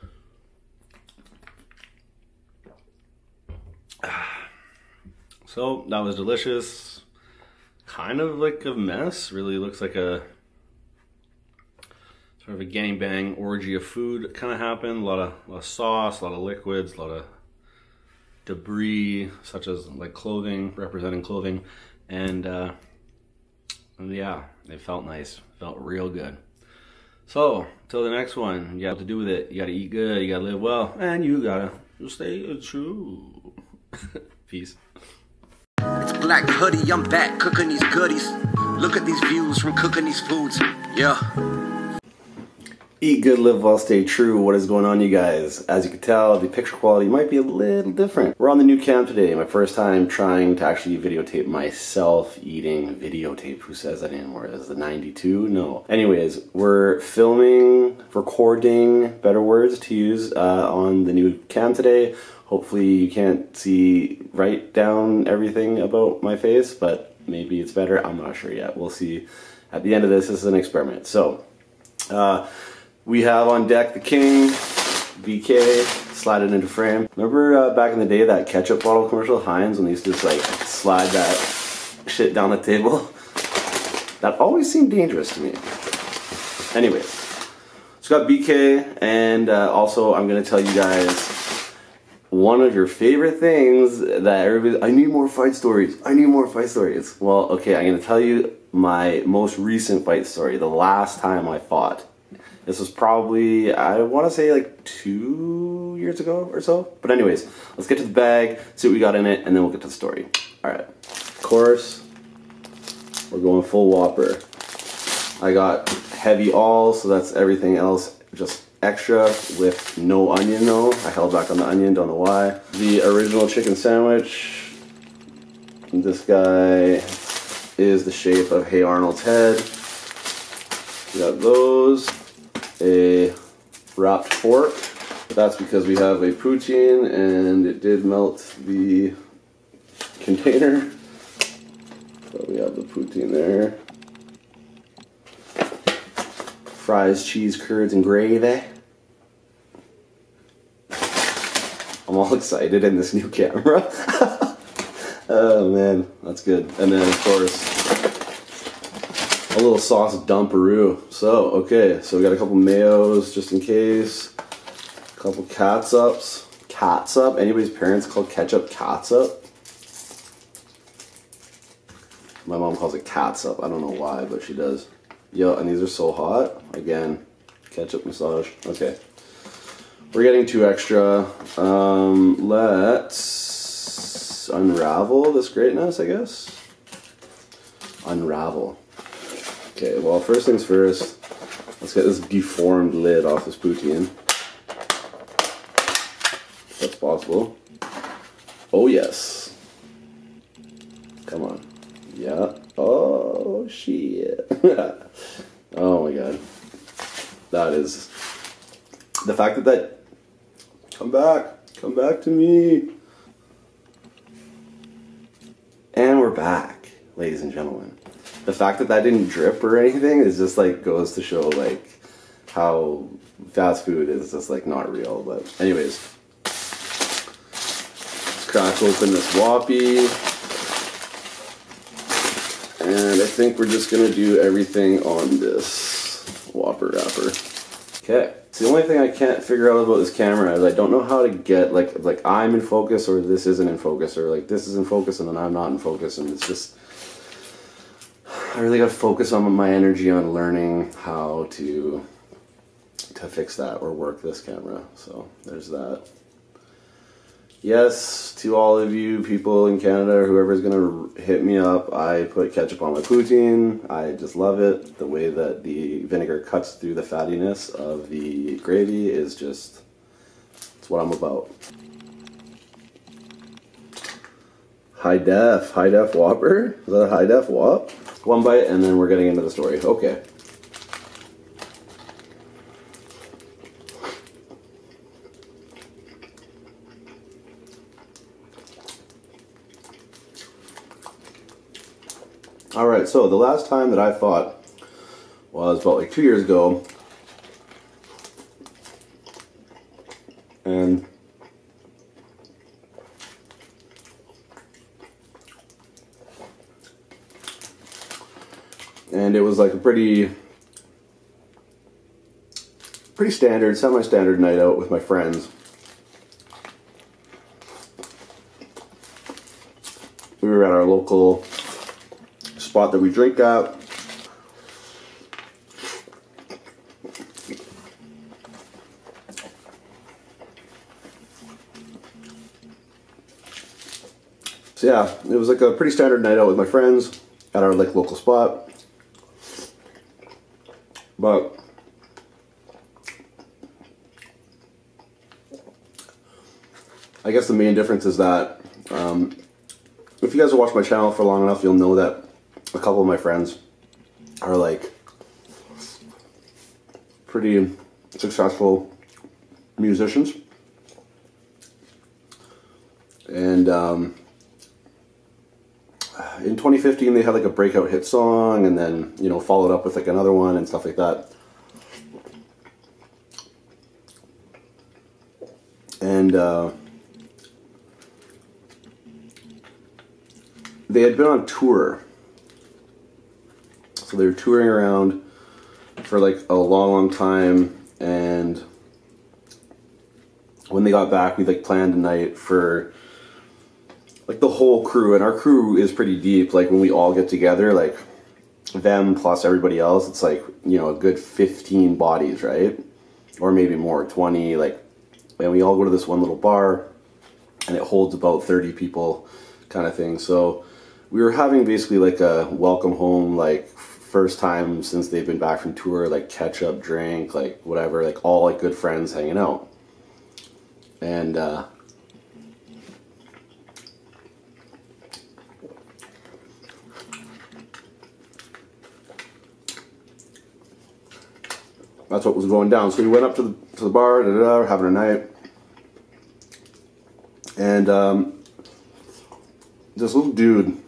So that was delicious. Kind of like a mess. Really looks like a sort of a gangbang orgy of food kind of happened. A lot of, sauce, a lot of liquids, a lot of debris, such as like clothing, representing clothing, and uh, yeah, it felt nice. Felt real good. So, till the next one, you got to do with it. You got to eat good, you got to live well, and you got to stay true. Peace. It's Black Hoodie, I'm back cooking these goodies. Look at these views from cooking these foods. Yeah. Eat good, live well, stay true. What is going on, you guys? As you can tell, the picture quality might be a little different. We're on the new cam today, my first time trying to actually videotape myself eating videotape. Who says that anymore? Is the 92? No. Anyways, we're filming, recording, better words to use uh, on the new cam today. Hopefully you can't see Write down everything about my face, but maybe it's better. I'm not sure yet. We'll see at the end of this. This is an experiment. So, uh, we have on deck the king, BK, slide it into frame. Remember uh, back in the day that ketchup bottle commercial, Heinz, when they used to like slide that shit down the table? That always seemed dangerous to me. Anyway, it's got BK, and uh, also I'm gonna tell you guys one of your favorite things that everybody, I need more fight stories, I need more fight stories. Well, okay, I'm gonna tell you my most recent fight story, the last time I fought. This was probably, I want to say like two years ago or so. But anyways, let's get to the bag, see what we got in it, and then we'll get to the story. All right. Of course, we're going full whopper. I got heavy all, so that's everything else just extra with no onion though. I held back on the onion, don't know why. The original chicken sandwich. This guy is the shape of Hey Arnold's head. We got those, a wrapped fork. That's because we have a poutine and it did melt the container. So we have the poutine there. Fries, cheese, curds, and gravy. I'm all excited in this new camera. oh man, that's good. And then of course, a little sauce dumperoo. So, okay, so we got a couple mayos just in case. A couple cats ups, cats up. Anybody's parents call ketchup cats up. My mom calls it cats up. I don't know why, but she does. Yo, and these are so hot. Again, ketchup massage. Okay. We're getting two extra. Um, let's unravel this greatness, I guess. Unravel. Okay, well, first things first, let's get this deformed lid off this poutine. that's possible. Oh, yes. Come on. Yeah. Oh, shit. Oh my god. That is. The fact that that. Come back! Come back to me! And we're back, ladies and gentlemen. The fact that that didn't drip or anything is just like goes to show like how fast food is just like not real. But anyways, let's crack open this Whoppy. And I think we're just gonna do everything on this Whopper wrapper. Okay. So the only thing I can't figure out about this camera is I don't know how to get like like I'm in focus or this isn't in focus or like this is in focus and then I'm not in focus and it's just I really gotta focus on my energy on learning how to to fix that or work this camera. So there's that. Yes, to all of you people in Canada, or whoever is going to hit me up, I put ketchup on my poutine. I just love it. The way that the vinegar cuts through the fattiness of the gravy is just, it's what I'm about. High def, high def whopper? Is that a high def whop? One bite and then we're getting into the story. Okay. All right, so the last time that I fought was about like two years ago. And and it was like a pretty pretty standard, semi-standard night out with my friends. We were at our local spot that we drink at. So yeah, it was like a pretty standard night out with my friends at our like local spot. But I guess the main difference is that um, if you guys have watched my channel for long enough, you'll know that a couple of my friends are like pretty successful musicians. And um, in 2015, they had like a breakout hit song, and then you know followed up with like another one and stuff like that. And uh, they had been on tour, so they were touring around for like a long time, and when they got back, we like planned a night for like the whole crew, and our crew is pretty deep. Like when we all get together, like them plus everybody else, it's like you know a good fifteen bodies, right? Or maybe more, twenty. Like, and we all go to this one little bar, and it holds about thirty people, kind of thing. So we were having basically like a welcome home, like first time since they've been back from tour, like catch up, drink, like whatever, like all like good friends hanging out. And uh, that's what was going down. So we went up to the to the bar, having a night, and um, this little dude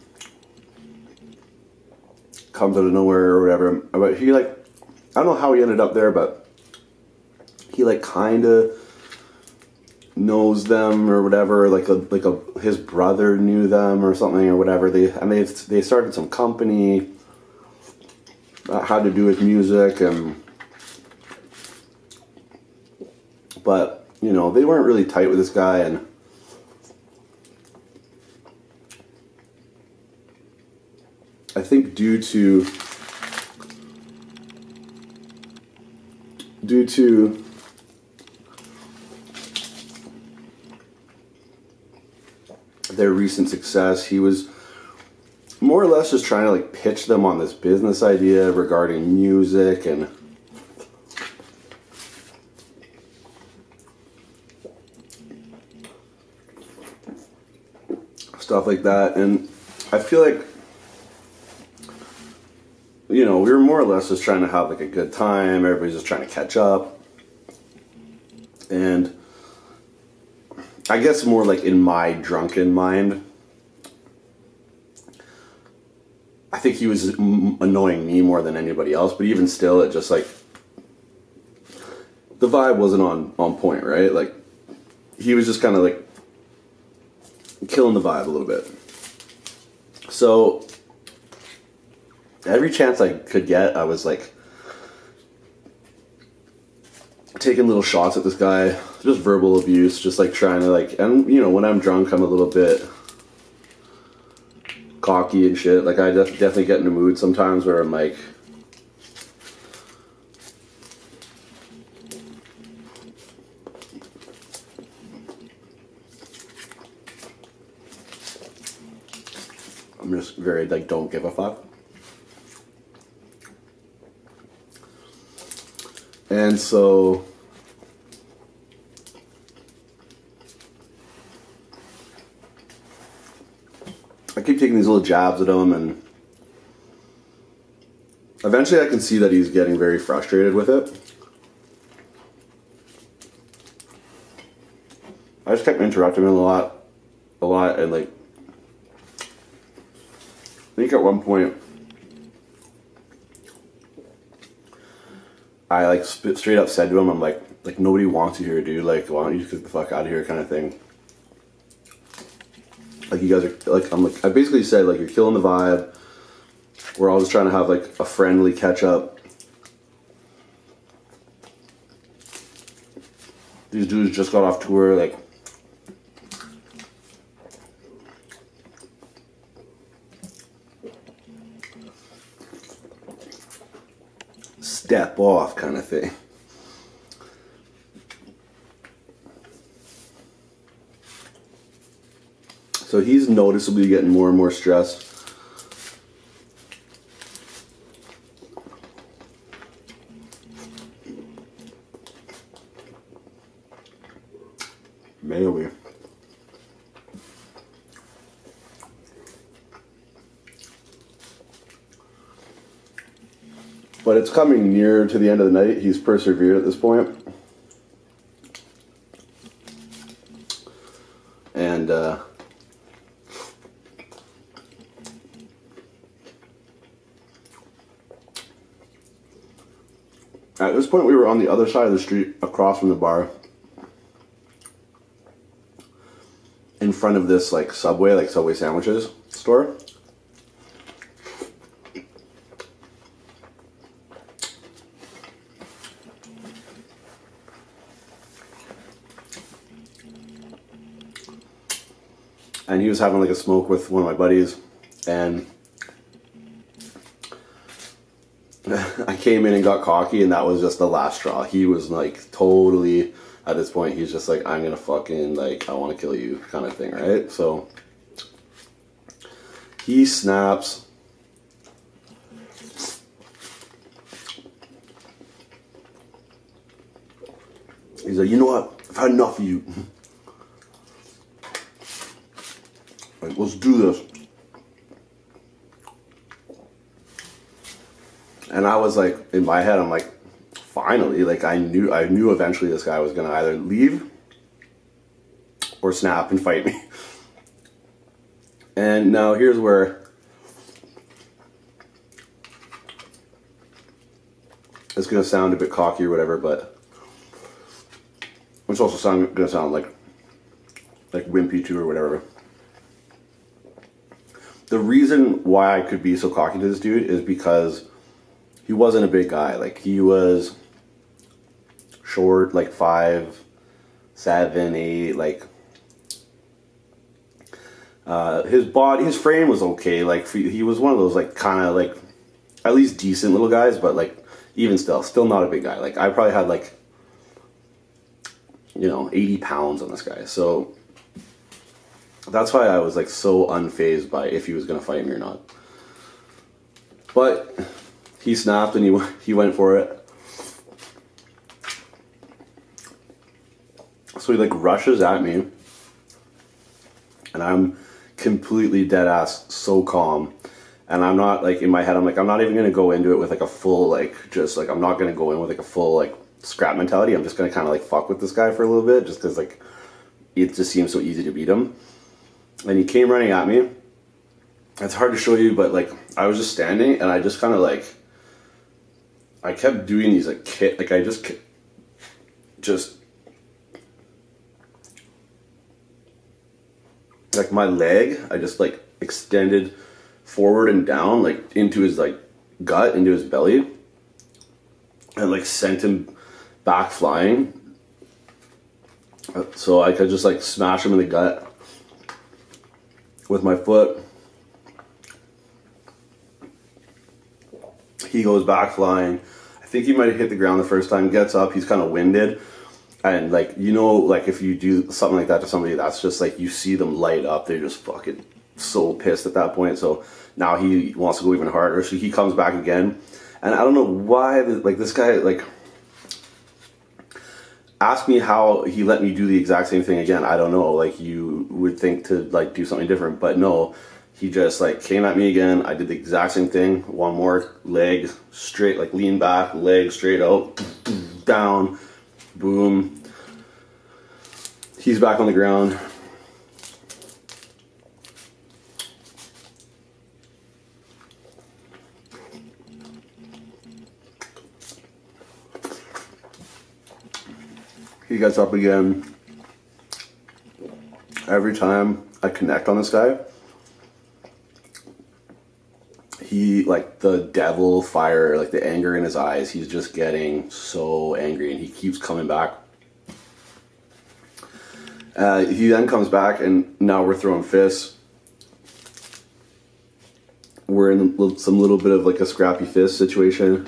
comes out of nowhere or whatever. But he like, I don't know how he ended up there, but he like kind of knows them or whatever. Like like his brother knew them or something or whatever. They and they they started some company that had to do with music and. But you know they weren't really tight with this guy and I think due to due to their recent success, he was more or less just trying to like pitch them on this business idea regarding music and Stuff like that. And I feel like, you know, we were more or less just trying to have like a good time. Everybody's just trying to catch up. And I guess more like in my drunken mind, I think he was annoying me more than anybody else. But even still, it just like the vibe wasn't on on point, right? Like he was just kind of like killing the vibe a little bit. So every chance I could get, I was like taking little shots at this guy, just verbal abuse, just like trying to like and you know, when I'm drunk I'm a little bit cocky and shit. Like I definitely get in the mood sometimes where I'm like, I'm just very like don't give a fuck. And so I keep taking these little jabs at him and eventually I can see that he's getting very frustrated with it. I just kept interrupting him a lot, a lot, and like, I think at one point, I like straight up said to him, I'm like, like nobody wants you here, dude. Like, why don't you just get the fuck out of here, kind of thing. Like you guys are like, I'm like, I basically said like you're killing the vibe. We're always trying to have like a friendly catch up. These dudes just got off tour, like step off kind of thing. So he's noticeably getting more and more stressed. Maybe. But it's coming near to the end of the night. He's persevered at this And uh, at this point, we were on the other side of the street across from the bar in front of this like Subway, like Subway sandwiches store. And he was having like a smoke with one of my buddies and I came in and got cocky, and that was just the last straw. He was like totally at this point. He's just like, I'm gonna fucking like, I want to kill you, kind of thing, right? So he snaps. He's like, you know what? I've had enough of you. like, let's do this. And I was like, in my head, I'm like, finally, like I knew, I knew eventually this guy was gonna either leave or snap and fight me. And now here's where it's gonna sound a bit cocky or whatever, but it's also gonna sound like like wimpy too or whatever. The reason why I could be so cocky to this dude is because he wasn't a big guy. Like he was short, like five, seven, eight, like uh, his body, his frame was okay. Like he was one of those like kind of like at least decent little guys, but like even still, still not a big guy. Like I probably had like you know, 80 pounds on this guy. So that's why I was like so unfazed by if he was going to fight me or not. But he snapped and he, he went for it. So he like rushes at me and I'm completely dead ass so calm and I'm not like in my head I'm like I'm not even gonna go into it with like a full like just like I'm not gonna go in with like a full like scrap mentality. I'm just gonna kind of like fuck with this guy for a little bit, just because like it just seems so easy to beat him. And he came running at me. It's hard to show you, but like I was just standing and I just kind of like I kept doing these like kick, like I just just like my leg, I just like extended forward and down, like into his like gut, into his belly, and like sent him back flying. So I could just like smash him in the gut with my foot. He goes back flying. I think he might hit the ground the first time, gets up, he's kind of winded. And like you know, like if you do something like that to somebody, that's just like you see them light up. They're just fucking so pissed at that point. So now he wants to go even harder. So he comes back again, and I don't know why. Like this guy, like ask me how he let me do the exact same thing again. I don't know. Like you would think to like do something different, but no. He just like came at me again. I did the exact same thing. One more leg straight, like lean back, leg straight out, down, Boom. He's back on the ground. He gets up again. Every time I connect on this guy, he like the devil fire like the anger in his eyes he's just getting so angry and he keeps coming back uh, he then comes back and now we're throwing fists we're in some little bit of like a scrappy fist situation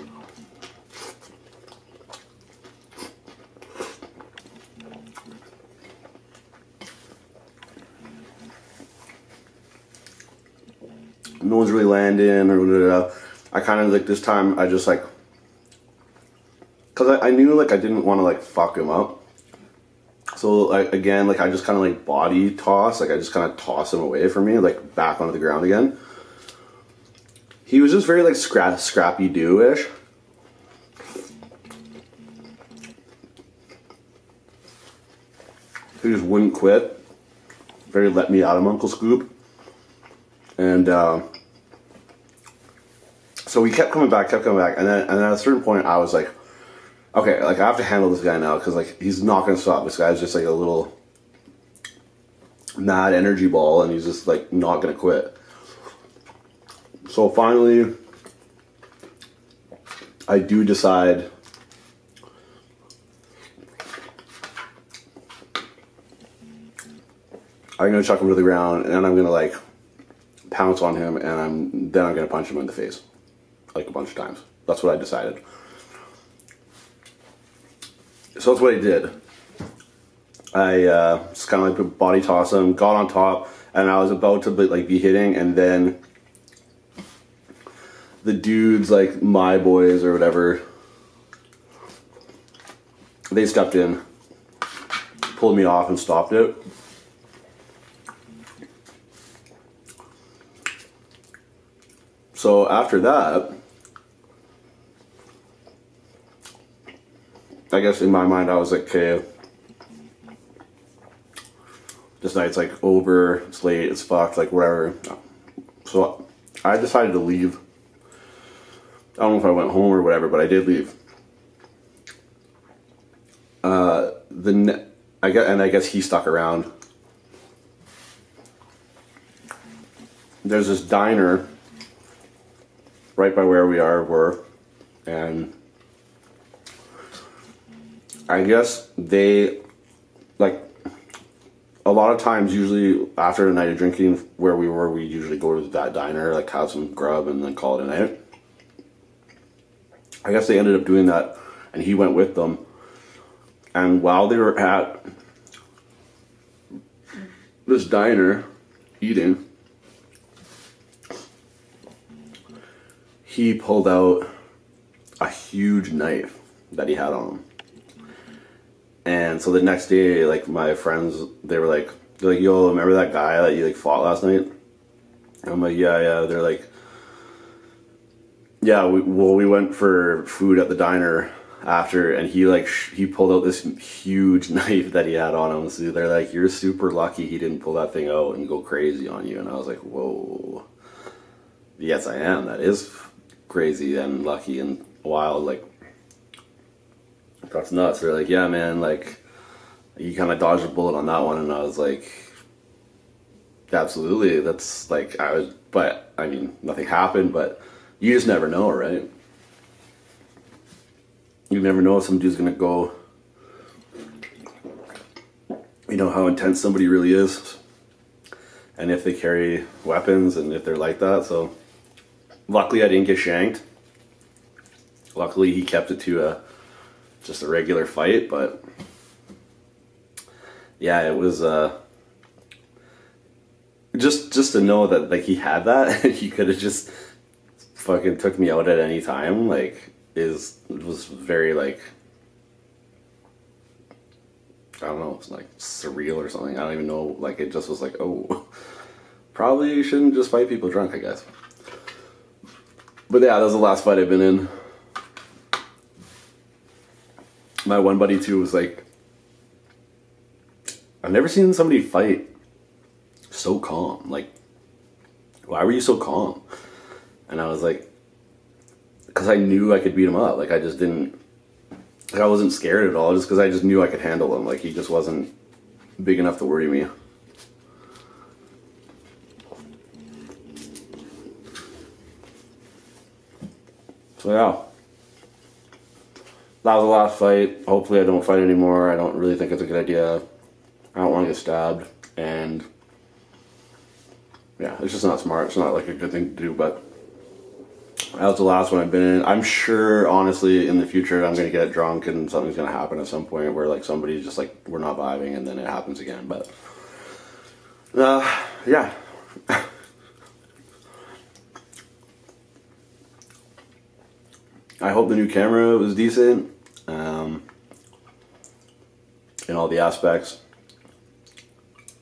no one's really landing or blah, I kind of like this time I just like because I, knew like I didn't want to like fuck him up. So like again, like I just kind of like body toss, like I just kind of toss him away from me, like back onto the ground again. He was just very like scrappy do ish. He just wouldn't quit. Very let me out of Uncle Scoop. And uh, so we kept coming back, kept coming back. And then, at a certain point, I was like, okay, like I have to handle this guy now because like he's not going to stop. This guy is just like a little mad energy ball and he's just like not going to quit. So finally, I do decide I'm gonna chuck him to the ground, and I'm gonna like pounce on him, and I'm then I'm gonna punch him in the face, like a bunch of times. That's what I decided. So that's what I did. I uh, just kind of like body toss him, got on top, and I was about to like be hitting, and then the dudes like my boys or whatever they stepped in pulled me off and stopped it so after that I guess in my mind I was like okay this night's like over it's late it's fucked like whatever so I decided to leave. I don't know if I went home or whatever, but I did leave. Uh, the I guess, and I guess he stuck around. There's this diner right by where we are were, and I guess they like a lot of times, usually after a night of drinking where we were, we usually go to that diner, like have some grub and then call it a night. I guess they ended up doing that and he went with them. And while they were at this diner eating, he pulled out a huge knife that he had on him. And so the next day, like my friends, they were like, they're like, yo, remember that guy that you like fought last night? I'm like, yeah, yeah. They're like, yeah, well, we went for food at the diner after, and he like he pulled out this huge knife that he had on him. So they're like, you're super lucky he didn't pull that thing out and go crazy on you. And I was like, whoa, yes, I am. That is crazy and lucky and wild. Like, that's nuts. They're like, yeah, man, like, you kind of dodged a bullet on that one. And I was like, absolutely. That's like, I was, but I mean, nothing happened, but you just never know, right? You never know if some dude's gonna go, you know, how intense somebody really is and if they carry weapons and if they're like that. So luckily I didn't get shanked. Luckily he kept it to a just a regular fight, but yeah, it was uh, just just to know that like he had that, he could have just fucking took me out at any time. Like is was very like I don't know, it's like surreal or something. I don't even know. Like it just was like, oh, probably you shouldn't just fight people drunk, I guess. But yeah, that was the last fight I've been in. My one buddy too was like, I've never seen somebody fight so calm. Like, why were you so calm? And I was like, because I knew I could beat him up. Like I just didn't, like I wasn't scared at all. Just because I just knew I could handle him. Like he just wasn't big enough to worry me. So yeah. That was the last fight. Hopefully I don't fight anymore. I don't really think it's a good idea. I don't want to get stabbed. And yeah, it's just not smart. It's not like a good thing to do, but that was the last one I've been in. I'm sure, honestly, in the future, I'm gonna get drunk and something's gonna happen at some point where like somebody's just like we're not vibing, and then it happens again. But uh, yeah. I hope the new camera was decent um, in all the aspects.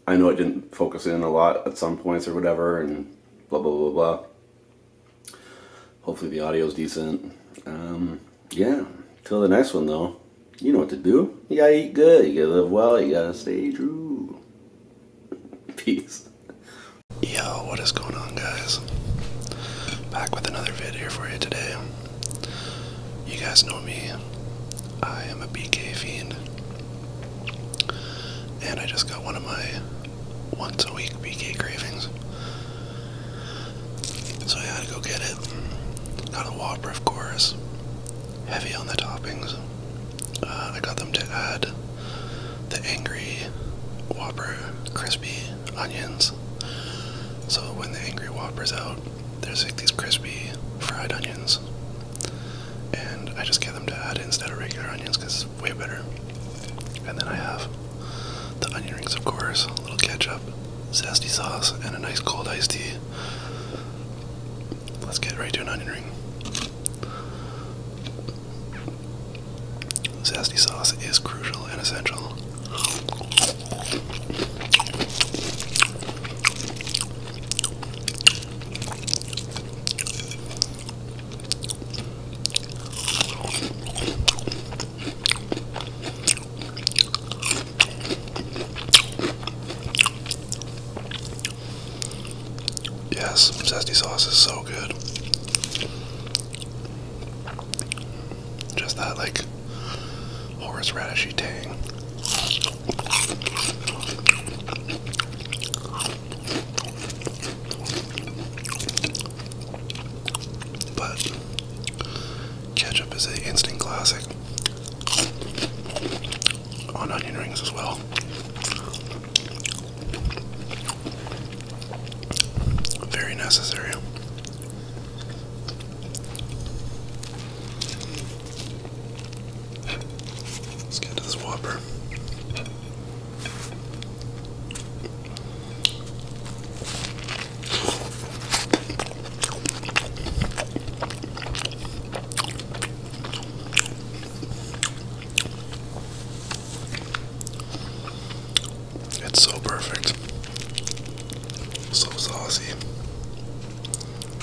I know it didn't focus in a lot at some points or whatever, and blah blah blah blah. Hopefully the audio's decent. Um, yeah. Till the next one though, you know what to do. You gotta eat good. You gotta live well. You gotta stay true. Peace. Yo, what is going on, guys? Back with another video for you today. You guys know me. I am a BK fiend. And I just got one of my once a week BK cravings. So I had to go get it. Got a Whopper, of course. Heavy on the toppings. Uh, I got them to add the Angry Whopper crispy onions. So when the Angry Whopper's out, there's like these crispy fried onions and I just get them to add instead of regular onions because it's way better. And then I have the onion rings, of course, a little ketchup, zesty sauce, and a nice cold iced tea. Let's get right to an onion ring. Zesty sauce is crucial and essential. Yes, zesty sauce is so good. Just that like horseradishy tang. But ketchup is an instant classic on onion rings as well. Very necessary. Let's get to this Whopper. It's so perfect. So saucy.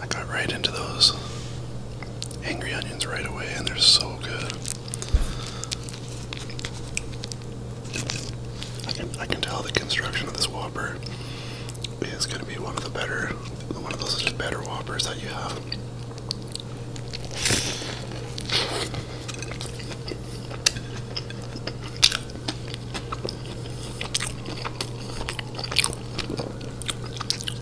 I got right into those angry onions right away, and they're so good. I can tell the construction of this Whopper is going to be one of the better, one of those better Whoppers that you have.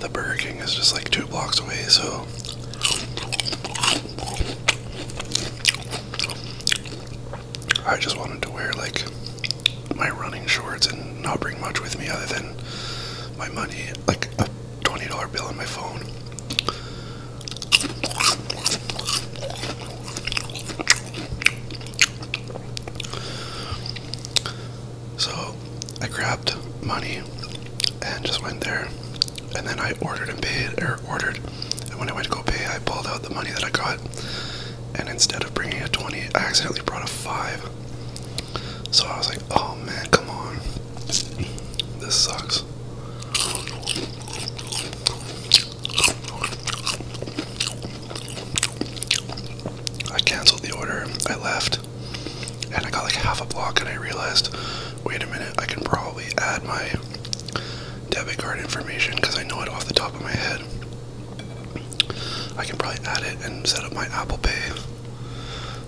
The Burger King is just like two blocks away, so I just wanted to wear like my running shorts and not bring much with me other than my money, like a $20 bill on my phone. So I grabbed money and just went there. And then I ordered and paid, or ordered. And when I went to go pay, I pulled out the money that I got. And instead of bringing a 20, I accidentally brought a 5. So I was like, oh man, come on. This sucks. I canceled the order. I left and I got like half a block, and I realized, wait a minute, I can probably add my debit card information because I know it off the top of my head. I can probably add it and set up my Apple Pay.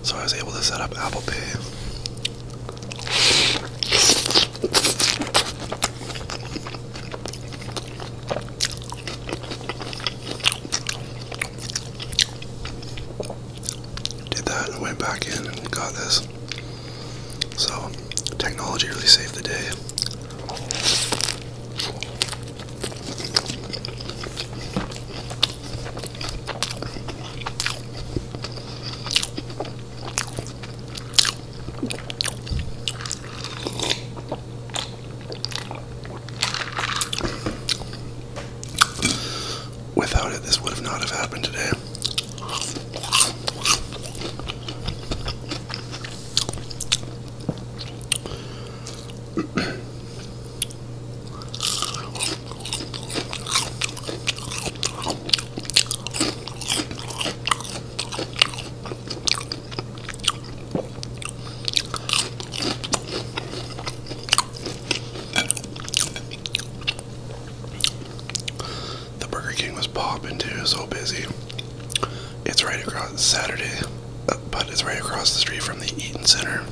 So I was able to set up Apple Pay did that and went back in and got this. So, technology really saved the day. Without it, this would have not have happened today. The Burger King was popping too, so busy. It's right across Saturday, uh, but it's right across the street from the Eaton Center.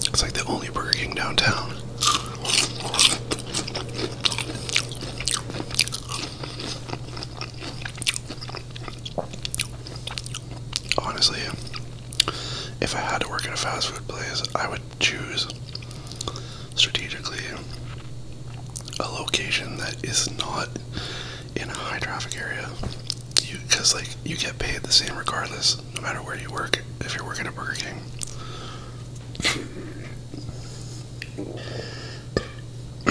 It's like the only Burger King downtown. Honestly, if I had to work at a fast food place, I would choose strategically a location that is not in a high traffic area. cause like you get paid the same regardless, no matter where you work. If you're working at Burger King.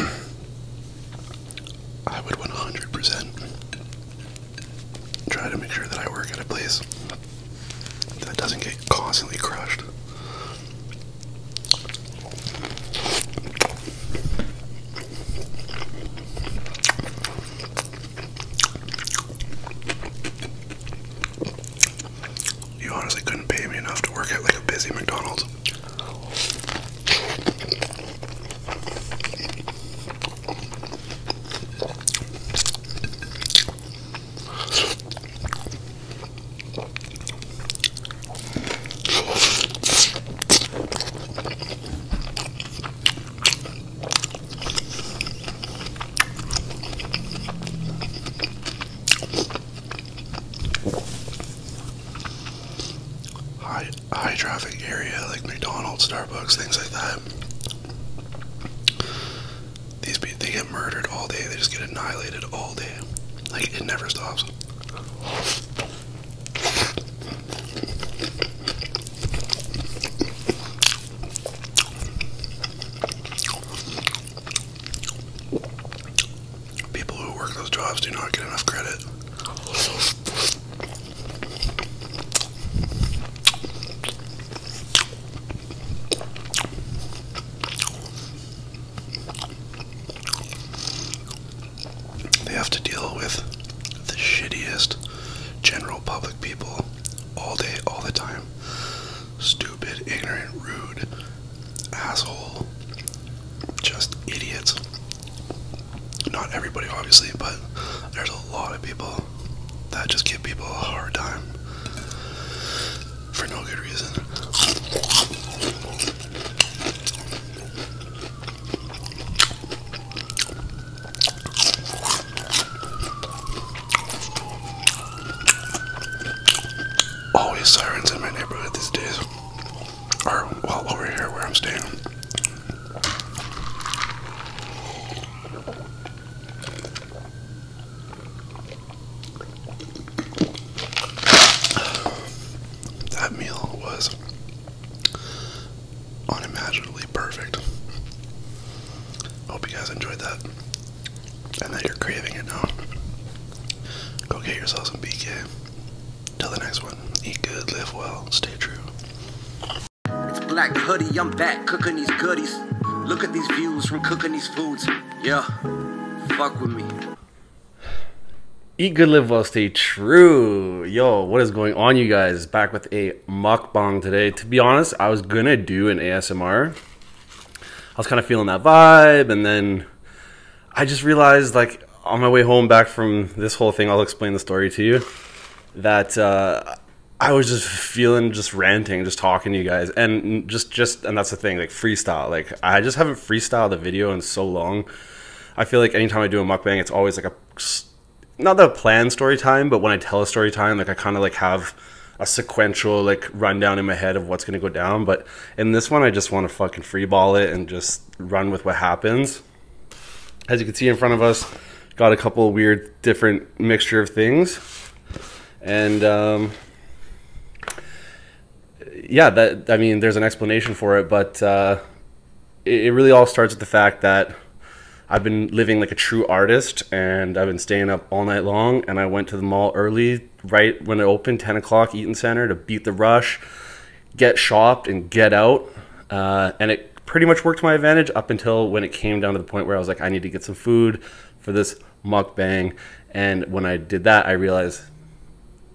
I would 100% try to make sure that I work at a place that doesn't get constantly crushed. You honestly couldn't pay me enough to work at like a busy McDonald's. High, high traffic area like McDonald's, Starbucks, things like that. These people they get murdered all day. They just get annihilated all day. Like it never stops. People who work those jobs do not get enough credit. They have to deal with the shittiest general public people all day, all the time. Stupid, ignorant, rude, asshole, just idiots. Not everybody, obviously, but there's a lot of people that just give people a hard time for no good reason. Always sirens in my neighborhood these days, or well, over here where I'm staying. That meal was unimaginably perfect. Hope you guys enjoyed that and that you're craving it now. Go get yourself some BK. Till the next one, eat good, live well, stay true. It's black hoodie, I'm back cooking these goodies. Look at these views from cooking these foods. Yeah, fuck with me. Eat good, live well, stay true. Yo, what is going on, you guys? Back with a mukbang today. To be honest, I was gonna do an ASMR. I was kind of feeling that vibe, and then I just realized, like, on my way home back from this whole thing, I'll explain the story to you. That uh, I was just feeling just ranting, just talking to you guys, and just just and that's the thing, like freestyle. Like I just haven't freestyled a video in so long. I feel like anytime I do a mukbang, it's always like a not a planned story time, but when I tell a story time, like I kind of like have a sequential like rundown in my head of what's gonna go down. But in this one, I just want to fucking freeball it and just run with what happens. As you can see in front of us, got a couple weird different mixture of things. And um, yeah, that I mean, there's an explanation for it, but uh, it, really all starts with the fact that I've been living like a true artist, and I've been staying up all night long. And I went to the mall early, right when it opened, 10 o'clock, Eaton Center, to beat the rush, get shopped, and get out. Uh, and it pretty much worked to my advantage up until when it came down to the point where I was like, I need to get some food for this mukbang. And when I did that, I realized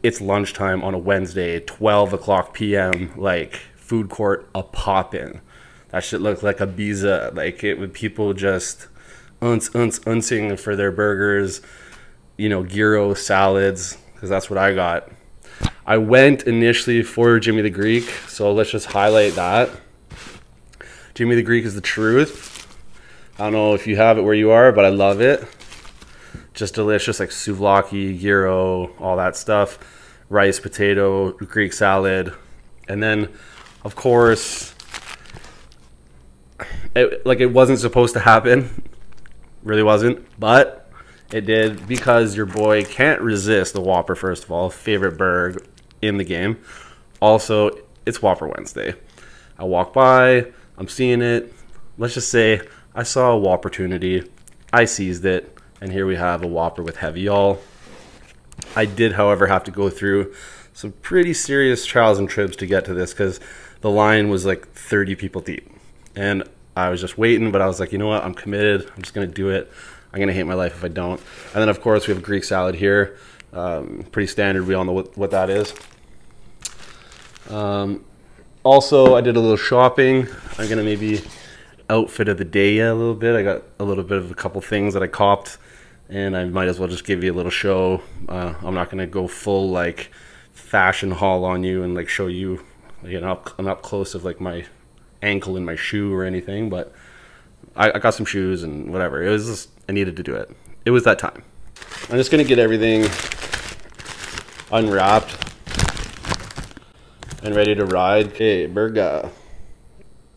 it's lunchtime on a Wednesday, 12 o'clock p.m., like food court a poppin'. That shit looked like a biza. Like it would people just unce, unce, uncing for their burgers, you know, gyro salads, because that's what I got. I went initially for Jimmy the Greek, so let's just highlight that. Jimmy the Greek is the truth. I don't know if you have it where you are, but I love it. Just delicious, like souvlaki, gyro, all that stuff. Rice, potato, Greek salad. And then, of course, like it wasn't supposed to happen. Really wasn't. But it did because your boy can't resist the Whopper, first of all. Favorite burger in the game. Also, it's Whopper Wednesday. I walk by, I'm seeing it. Let's just say I saw a Whopper opportunity. I seized it, and here we have a Whopper with heavy y'all. I did, however, have to go through some pretty serious trials and tribs to get to this because the line was like 30 people deep. And I was just waiting, but I was like, you know what? I'm committed. I'm just going to do it. I'm gonna hate my life if I don't. And then of course we have Greek salad here. Um, pretty standard, we all know what, that is. Um, also, I did a little shopping. I'm gonna maybe outfit of the day a little bit. I got a little bit of a couple things that I copped and I might as well just give you a little show. Uh, I'm not gonna go full like fashion haul on you and like show you like an up, an up close of like my ankle in my shoe or anything, but I, got some shoes and whatever. It was just, I needed to do it. It was that time. I'm just going to get everything unwrapped and ready to ride. Hey, Berga.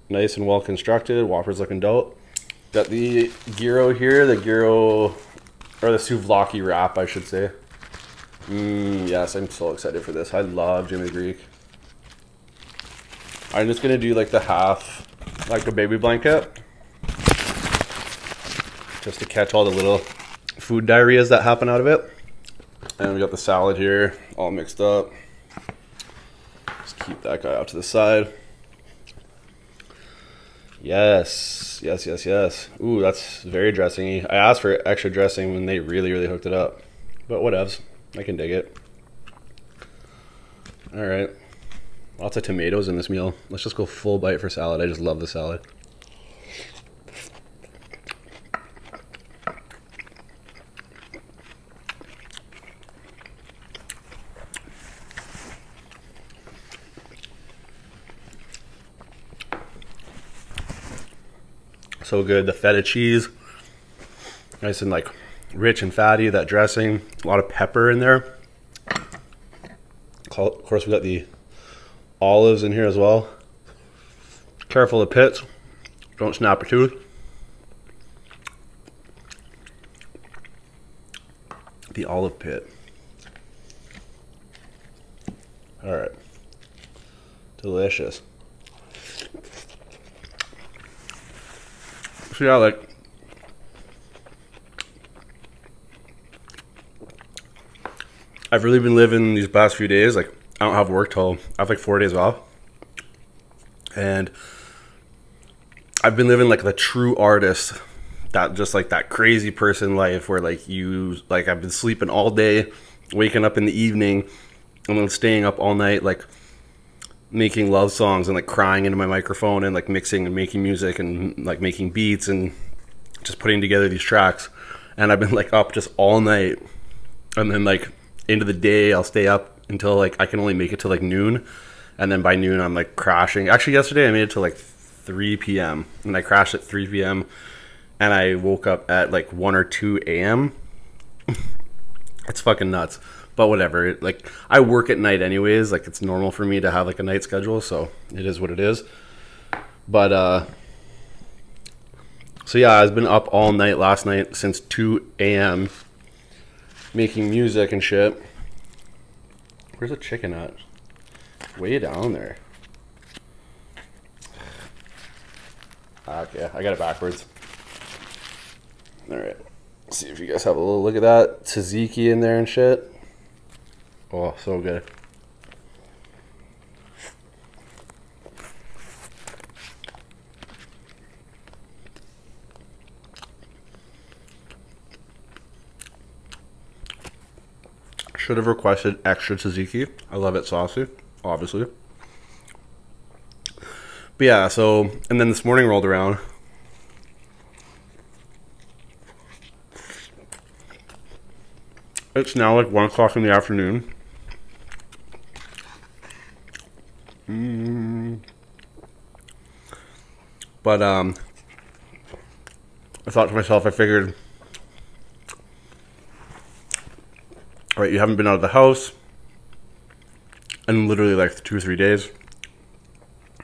Nice and well constructed. Whopper's looking dope. Got the Giro here, the Giro, or the Suvlaki wrap, I should say. Mm, yes, I'm so excited for this. I love Jimmy Greek. I'm just gonna do like the half, like a baby blanket. Just to catch all the little food diarrheas that happen out of it. And we got the salad here, all mixed up. Just keep that guy out to the side. Yes, yes, yes, yes. Ooh, that's very dressingy. I asked for extra dressing when they really, really hooked it up. But whatevs, I can dig it. All right. Lots of tomatoes in this meal. Let's just go full bite for salad. I just love the salad. So good. The feta cheese, Nice and like rich and fatty, that dressing, a lot of pepper in there. Of course, we got the olives in here as well. Careful of pits, don't snap a tooth. The olive pit. All right. Delicious this. So yeah, like I've really been living these past few days. Like I don't have work till I have like four days off, and I've been living like the true artist, that just like that crazy person life where like you like I've been sleeping all day, waking up in the evening, and then staying up all night like making love songs and like crying into my microphone and like mixing and making music and like making beats and just putting together these tracks and i've been like up just all night and then like into the day i'll stay up until like i can only make it to like noon and then by noon i'm like crashing actually yesterday i made it to like 3 p.m and i crashed at 3 p.m and i woke up at like 1 or 2 a.m it's fucking nuts but whatever. Like I work at night anyways. Like it's normal for me to have like a night schedule, so it is what it is. But uh, so yeah, I've been up all night last night since 2 a.m. making music and shit. Where's the chicken at? Way down there. Okay, ah, I got it backwards. All see if you guys have a little look at that tzatziki in there and shit. Oh, so good. Should have requested extra tzatziki. I love it saucy, obviously. But yeah, so, and then this morning rolled around. It's now like 1 o'clock in the afternoon. Mm. But, um, I thought to myself, I figured, all right, you haven't been out of the house and literally like two or three days,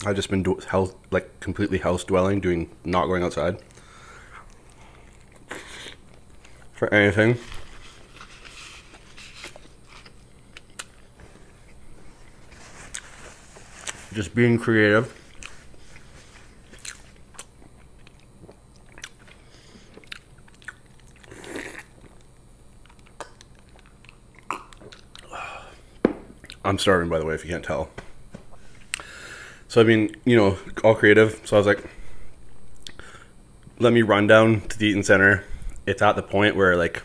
I've just been do- house like completely house dwelling, doing not going outside for anything. Just being creative. I'm starving, by the way, if you can't tell. So, I mean, you know, all creative. So I was like, let me run down to the Eaton Center. It's at the point where, like,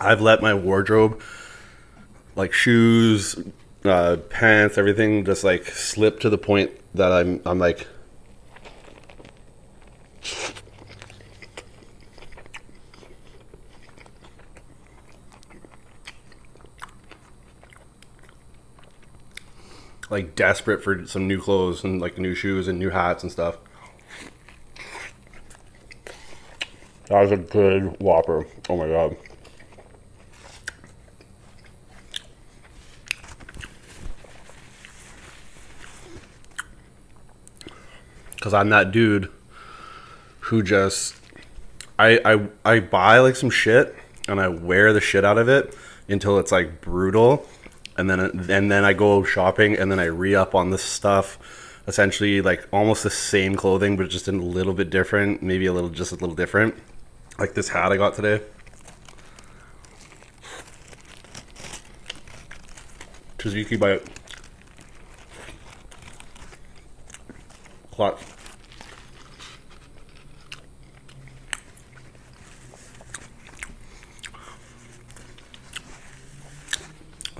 I've let my wardrobe, like shoes, uh, pants, everything, just like slip to the point that I'm, I'm like, like desperate for some new clothes and like new shoes and new hats and stuff. That was a good whopper. Oh my god because I'm that dude who just I, I I buy like some shit and I wear the shit out of it until it's like brutal, and then and then I go shopping and then I re up on this stuff, essentially like almost the same clothing but just in a little bit different, maybe a little just a little different, like this hat I got today. Tzatziki bite. Clutch.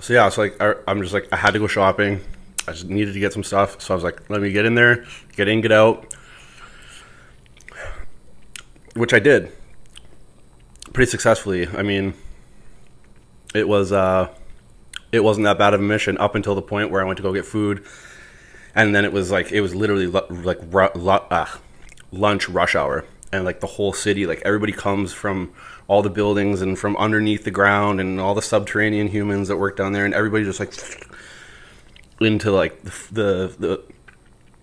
So yeah, it's like I'm just like I had to go shopping. I just needed to get some stuff, so I was like, let me get in there, get in, get out, which I did pretty successfully. I mean, it was uh, it wasn't that bad of a mission up until the point where I went to go get food, and then it was like it was literally like uh, lunch rush hour, and like the whole city, like everybody comes from all the buildings and from underneath the ground, and all the subterranean humans that work down there, and everybody just like into like the the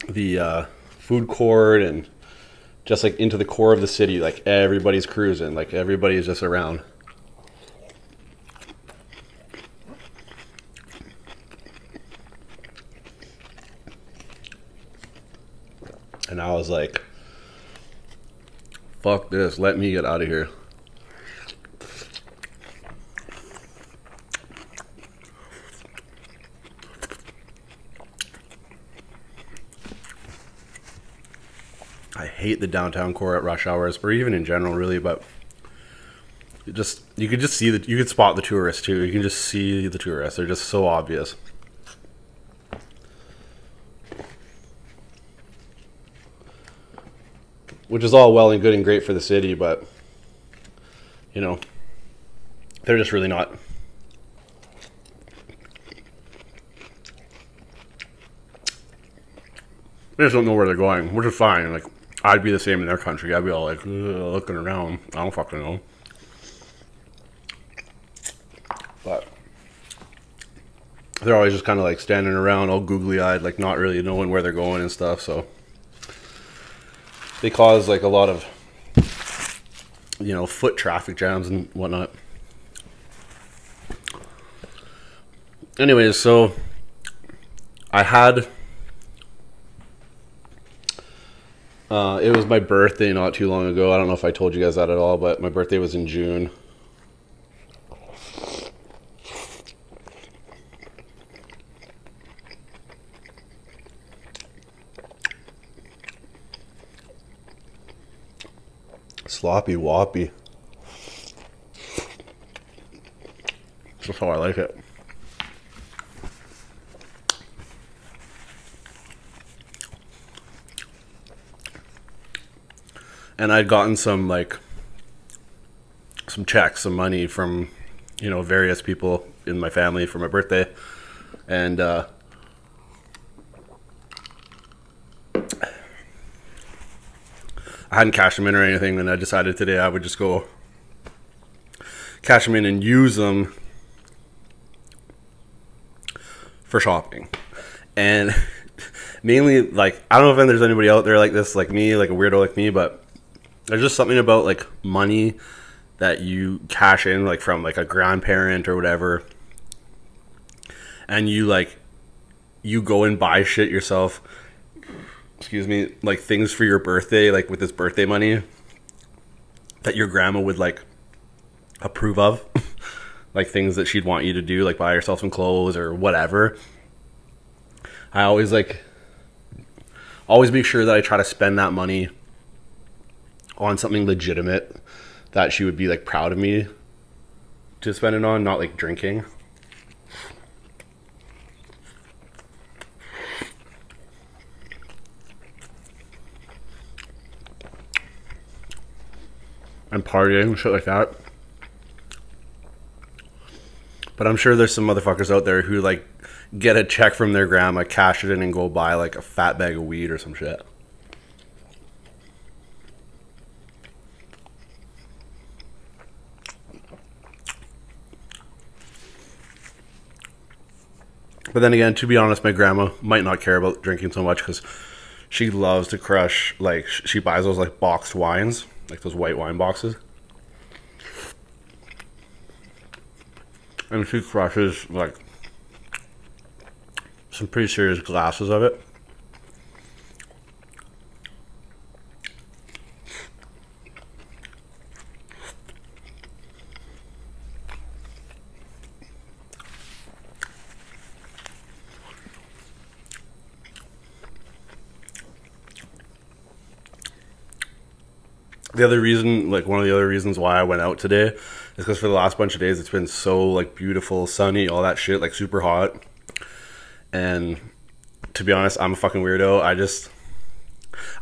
the, the uh, food court and just like into the core of the city. Like everybody's cruising. Like everybody's just around. And I was like, fuck this, let me get out of here. I hate the downtown core at rush hours, or even in general, really. But just you could just see that you could spot the tourists too. You can just see the tourists; they're just so obvious. Which is all well and good and great for the city, but you know, they're just really not they just don't know where they're going, which is fine. Like, I'd be the same in their country. I'd be all like looking around. I don't fucking know. But they're always just kind of like standing around, all googly eyed, like not really knowing where they're going and stuff. So they cause like a lot of you know, foot traffic jams and whatnot. Anyways, so I had. Uh, it was my birthday not too long ago. I don't know if I told you guys that at all, but my birthday was in June. Sloppy Woppy. That's how I like it. And I'd gotten some like some checks, some money from you know various people in my family for my birthday, and uh, I hadn't cashed them in or anything, and I decided today I would just go cash them in and use them for shopping. And mainly, like, I don't know if there's anybody out there like this, like me, like a weirdo like me, but there's just something about like money that you cash in, like from like a grandparent or whatever, and you like you go and buy shit yourself excuse me like things for your birthday like with this birthday money that your grandma would like approve of like things that she'd want you to do like buy yourself some clothes or whatever i always like always make sure that i try to spend that money on something legitimate that she would be like proud of me to spend it on, not like drinking. And partying shit like that. But I'm sure there's some motherfuckers out there who like get a check from their grandma, cash it in, and go buy like a fat bag of weed or some shit. But then again, to be honest, my grandma might not care about drinking so much because she loves to crush. Like she buys those like boxed wines, like those white wine boxes, and she crushes like some pretty serious glasses of it. the other reason like one of the other reasons why i went out today is because for the last bunch of days it's been so like beautiful, sunny, all that shit, like super hot. And to be honest, I'm a fucking weirdo. I just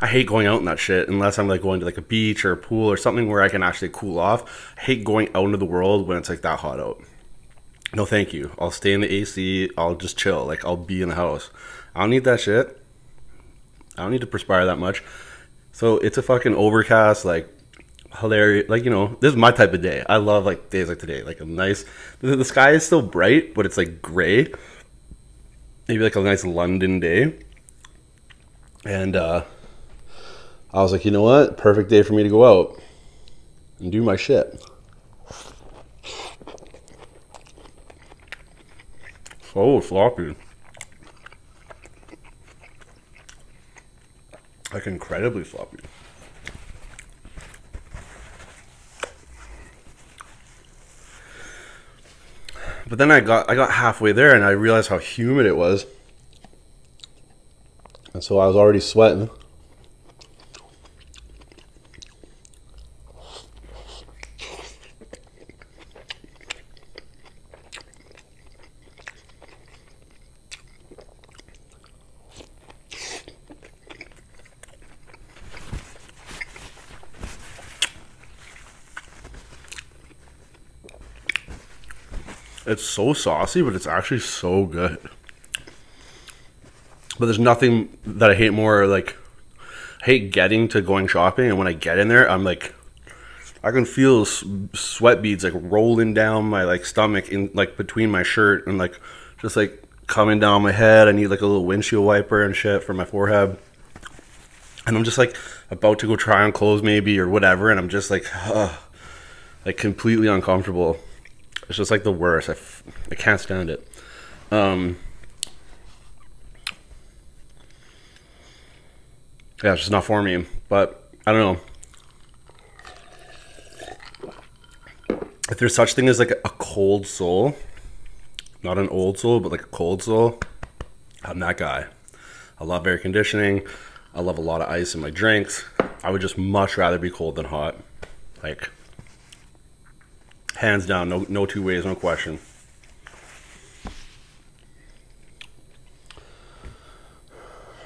I hate going out in that shit unless I'm like going to like a beach or a pool or something where I can actually cool off. I hate going out into the world when it's like that hot out. No, thank you. I'll stay in the AC. I'll just chill. Like I'll be in the house. I don't need that shit. I don't need to perspire that much. So it's a fucking overcast, like hilarious. Like you know, this is my type of day. I love like days like today. Like a nice, the, sky is still bright, but it's like gray. Maybe like a nice London day. And uh, I was like, you know what? Perfect day for me to go out and do my shit. So floppy. Like incredibly floppy. But then I got I got halfway there and I realized how humid it was. And so I was already sweating. It's so saucy, but it's actually so good. But there's nothing that I hate more like I hate getting to going shopping and when I get in there, I'm like I can feel sweat beads like rolling down my like stomach in like between my shirt and like just like coming down my head. I need like a little windshield wiper and shit for my forehead. And I'm just like about to go try on clothes maybe or whatever, and I'm just like, ugh, like completely uncomfortable. It's just like the worst. I f- I can't stand it. Um, yeah, it's just not for me. But I don't know. If there's such thing as like a cold soul, not an old soul, but like a cold soul, I'm that guy. I love air conditioning. I love a lot of ice in my drinks. I would just much rather be cold than hot. Like hands down, no no two ways, no question.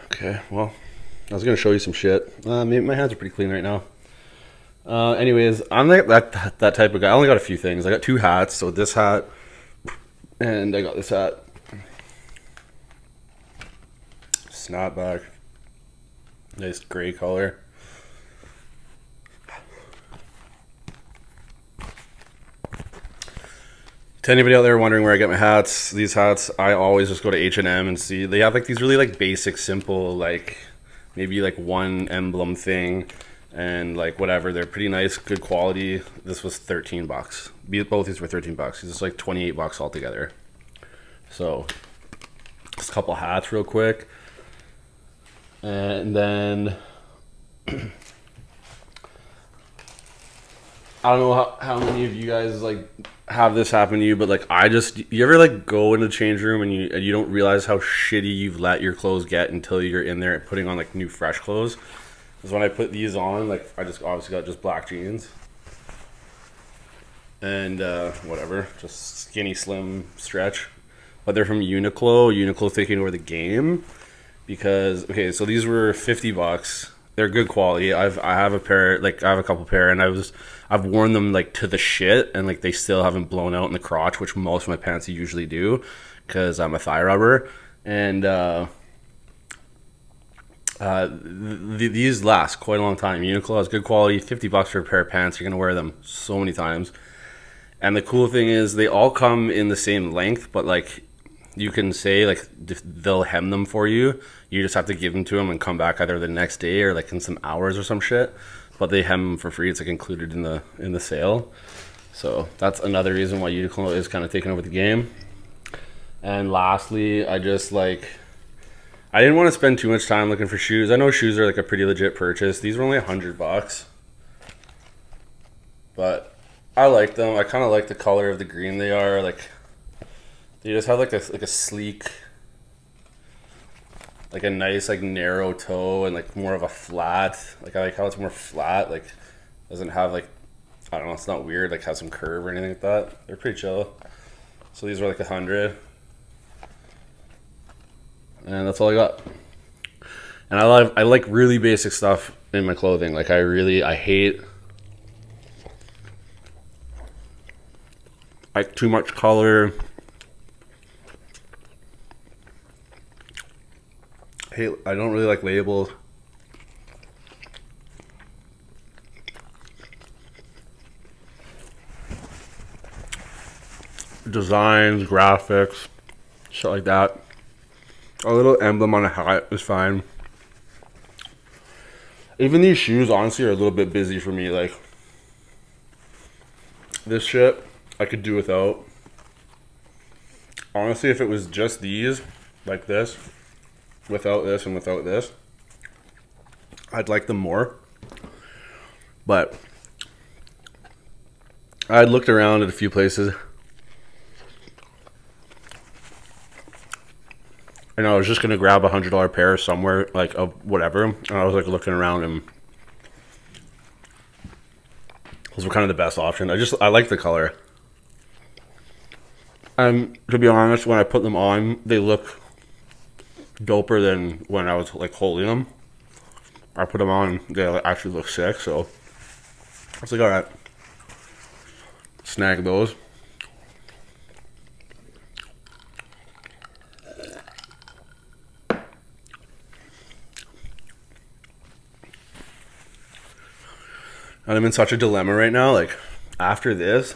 Okay, well, I was going to show you some shit. Uh, my hands are pretty clean right now. Uh, anyways, I'm that, that, that type of guy. I only got a few things. I got two hats. So this hat, and I got this hat. Snapback. Nice gray color to anybody out there wondering where I get my hats, these hats, I always just go to H&M and see. They have like these really like basic, simple, like maybe like one emblem thing and like whatever. They're pretty nice, good quality. This was 13 bucks. Both these were 13 bucks. It's like 28 bucks altogether. So just a couple hats real quick. And then I don't know how, many of you guys like have this happen to you, but like I just you ever like go in the change room and you and you don't realize how shitty you've let your clothes get until you're in there and putting on like new fresh clothes. Because when I put these on, like I just obviously got just black jeans and uh, whatever, just skinny slim stretch. But they're from Uniqlo. Uniqlo thinking over the game because okay, so these were fifty bucks they're good quality. I've I have a pair, like I have a couple pair, and I was I've worn them like to the shit, and like they still haven't blown out in the crotch, which most of my pants usually do, because I'm a thigh rubber, and uh, uh, these last quite a long time. Uniqlo has good quality, fifty bucks for a pair of pants. You're gonna wear them so many times, and the cool thing is they all come in the same length, but like you can say like they'll hem them for you you just have to give them to them and come back either the next day or like in some hours or some shit. But they have them for free. It's like included in the in the sale. So that's another reason why Uniqlo is kind of taking over the game. And lastly, I just like I didn't want to spend too much time looking for shoes. I know shoes are like a pretty legit purchase. These were only a hundred bucks, but I like them. I kind of like the color of the green they are. Like they just have like a like a sleek, like a nice like narrow toe and like more of a flat. Like I like how it's more flat. Like doesn't have like I don't know. It's not weird. Like has some curve or anything like that. They're pretty chill. So these were like a hundred, and that's all I got. And I love I like really basic stuff in my clothing. Like I really I hate like too much color. I don't really like labels. Designs, graphics, shit like that. A little emblem on a hat is fine. Even these shoes, honestly, are a little bit busy for me. Like, this shit, I could do without. Honestly, if it was just these, like this, without this and without this, I'd like them more. But I looked around at a few places and I was just gonna grab a hundred dollar pair somewhere, like of whatever. And I was like looking around, and those were kind of the best option. I just I like the color. Um, to be honest, when I put them on, they look doper than when I was like holding them. I put them on, they actually look sick. So I was like, all right, snag those. And I'm in such a dilemma right now. Like, after this,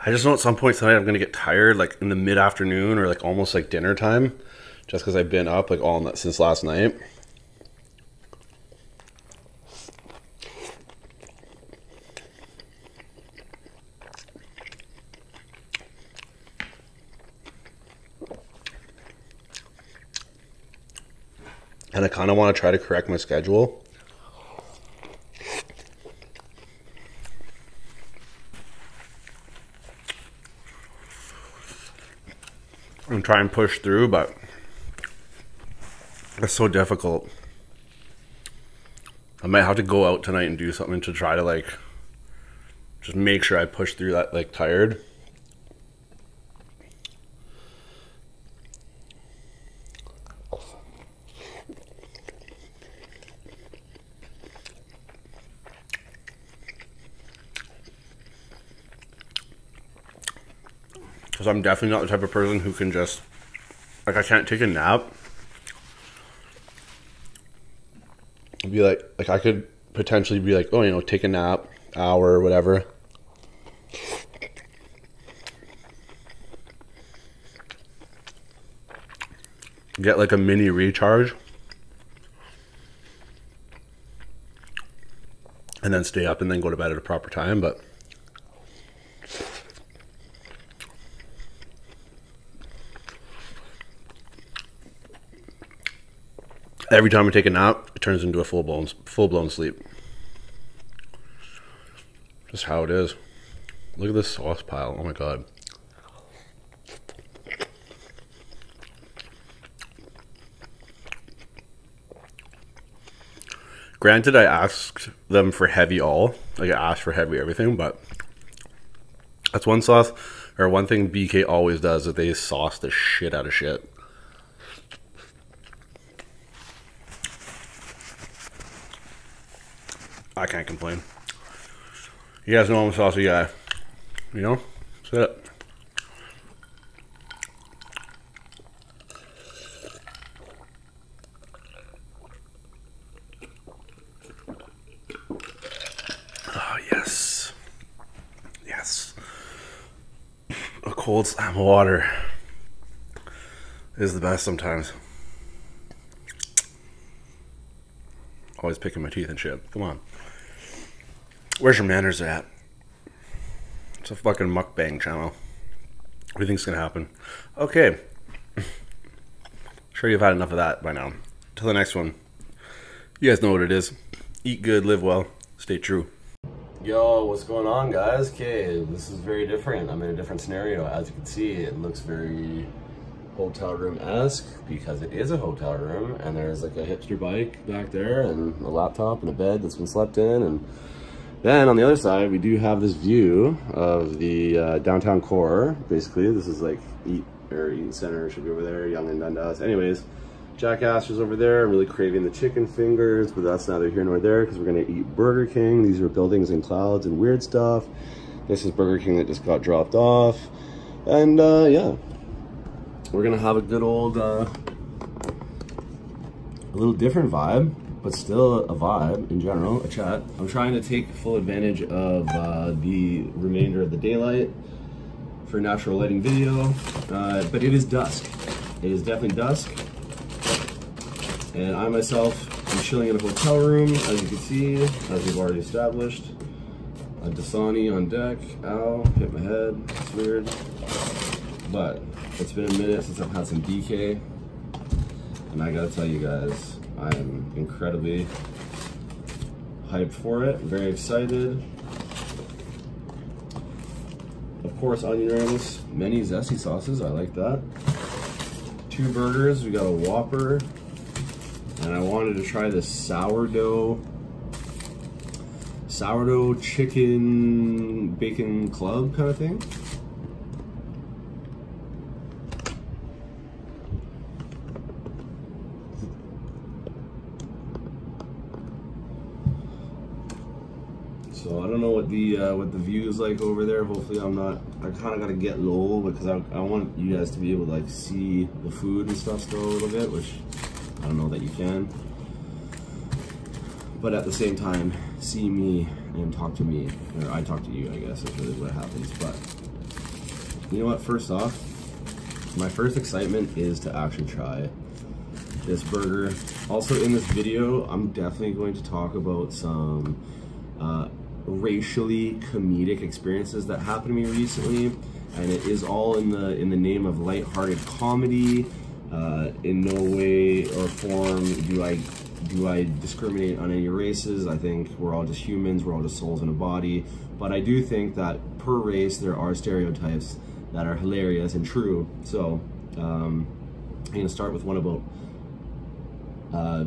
I just know at some point tonight I'm going to get tired, like in the mid afternoon or like almost like dinner time, just because I've been up like all night since last night. And I kind of want to try to correct my schedule. and try and push through, but that's so difficult. I might have to go out tonight and do something to try to like just make sure I push through that like tired. Because I'm definitely not the type of person who can just, like, I can't take a nap. be like, like I could potentially be like, oh, you know, take a nap, hour or whatever. Get like a mini recharge. And then stay up and then go to bed at a proper time, but Every time I take a nap, it turns into a full blown full blown sleep. Just how it is. Look at this sauce pile. Oh my god. Granted, I asked them for heavy all. Like, I asked for heavy everything, but that's one sauce, or one thing BK always does, that they sauce the shit out of shit. I can't complain. You guys know I'm a saucy guy. You know? That's it. Oh, yes. Yes. A cold slab of water is the best sometimes. Always picking my teeth and shit. Come on. Where's your manners at? It's a fucking mukbang channel. What do you think's gonna happen? Okay. sure you've had enough of that by now. Till the next one. You guys know what it is. Eat good, live well, stay true. Yo, what's going on guys? Okay, this is very different. I'm in a different scenario. As you can see, it looks very hotel room-esque because it is a hotel room and there's like a hipster bike back there and a laptop and a bed that's been slept in and then on the other side, we do have this view of the uh, downtown core, basically. This is like Eat or eat Center should be over there, Young and Dundas. Anyways, Jackass Astor's over there. I'm really craving the chicken fingers, but that's neither here nor there because we're gonna eat Burger King. These are buildings and clouds and weird stuff. This is Burger King that just got dropped off. And uh, yeah, we're gonna have a good old uh, a little different vibe, but still a vibe in general, a chat. I'm trying to take full advantage of uh, the remainder of the daylight for natural lighting video, uh, but it is dusk. It is definitely dusk, and I myself am chilling in a hotel room, as you can see, as we've already established. A Dasani on deck, ow, hit my head, it's weird. But it's been a minute since I've had some DK, and I gotta tell you guys, I'm incredibly hyped for it, very excited. Of course, onion rings, many zesty sauces, I like that. Two burgers, we got a Whopper, and I wanted to try this sourdough, sourdough chicken bacon club kind of thing. So I don't know what the uh, what the view is like over there. Hopefully I'm not, I kind of got to get low because I, I want you guys to be able to like see the food and stuff still a little bit, which I don't know that you can but at the same time, see me and talk to me, or I talk to you, I guess, is really what happens. But you know what? First off, my first excitement is to actually try this burger. Also, in this video, I'm definitely going to talk about some uh, racially comedic experiences that happened to me recently, and it is all in the in the name of light-hearted comedy. Uh, in no way or form do I do I discriminate on any races? I think we're all just humans, we're all just souls in a body. But I do think that per race, there are stereotypes that are hilarious and true. So um, I'm gonna start with one about uh,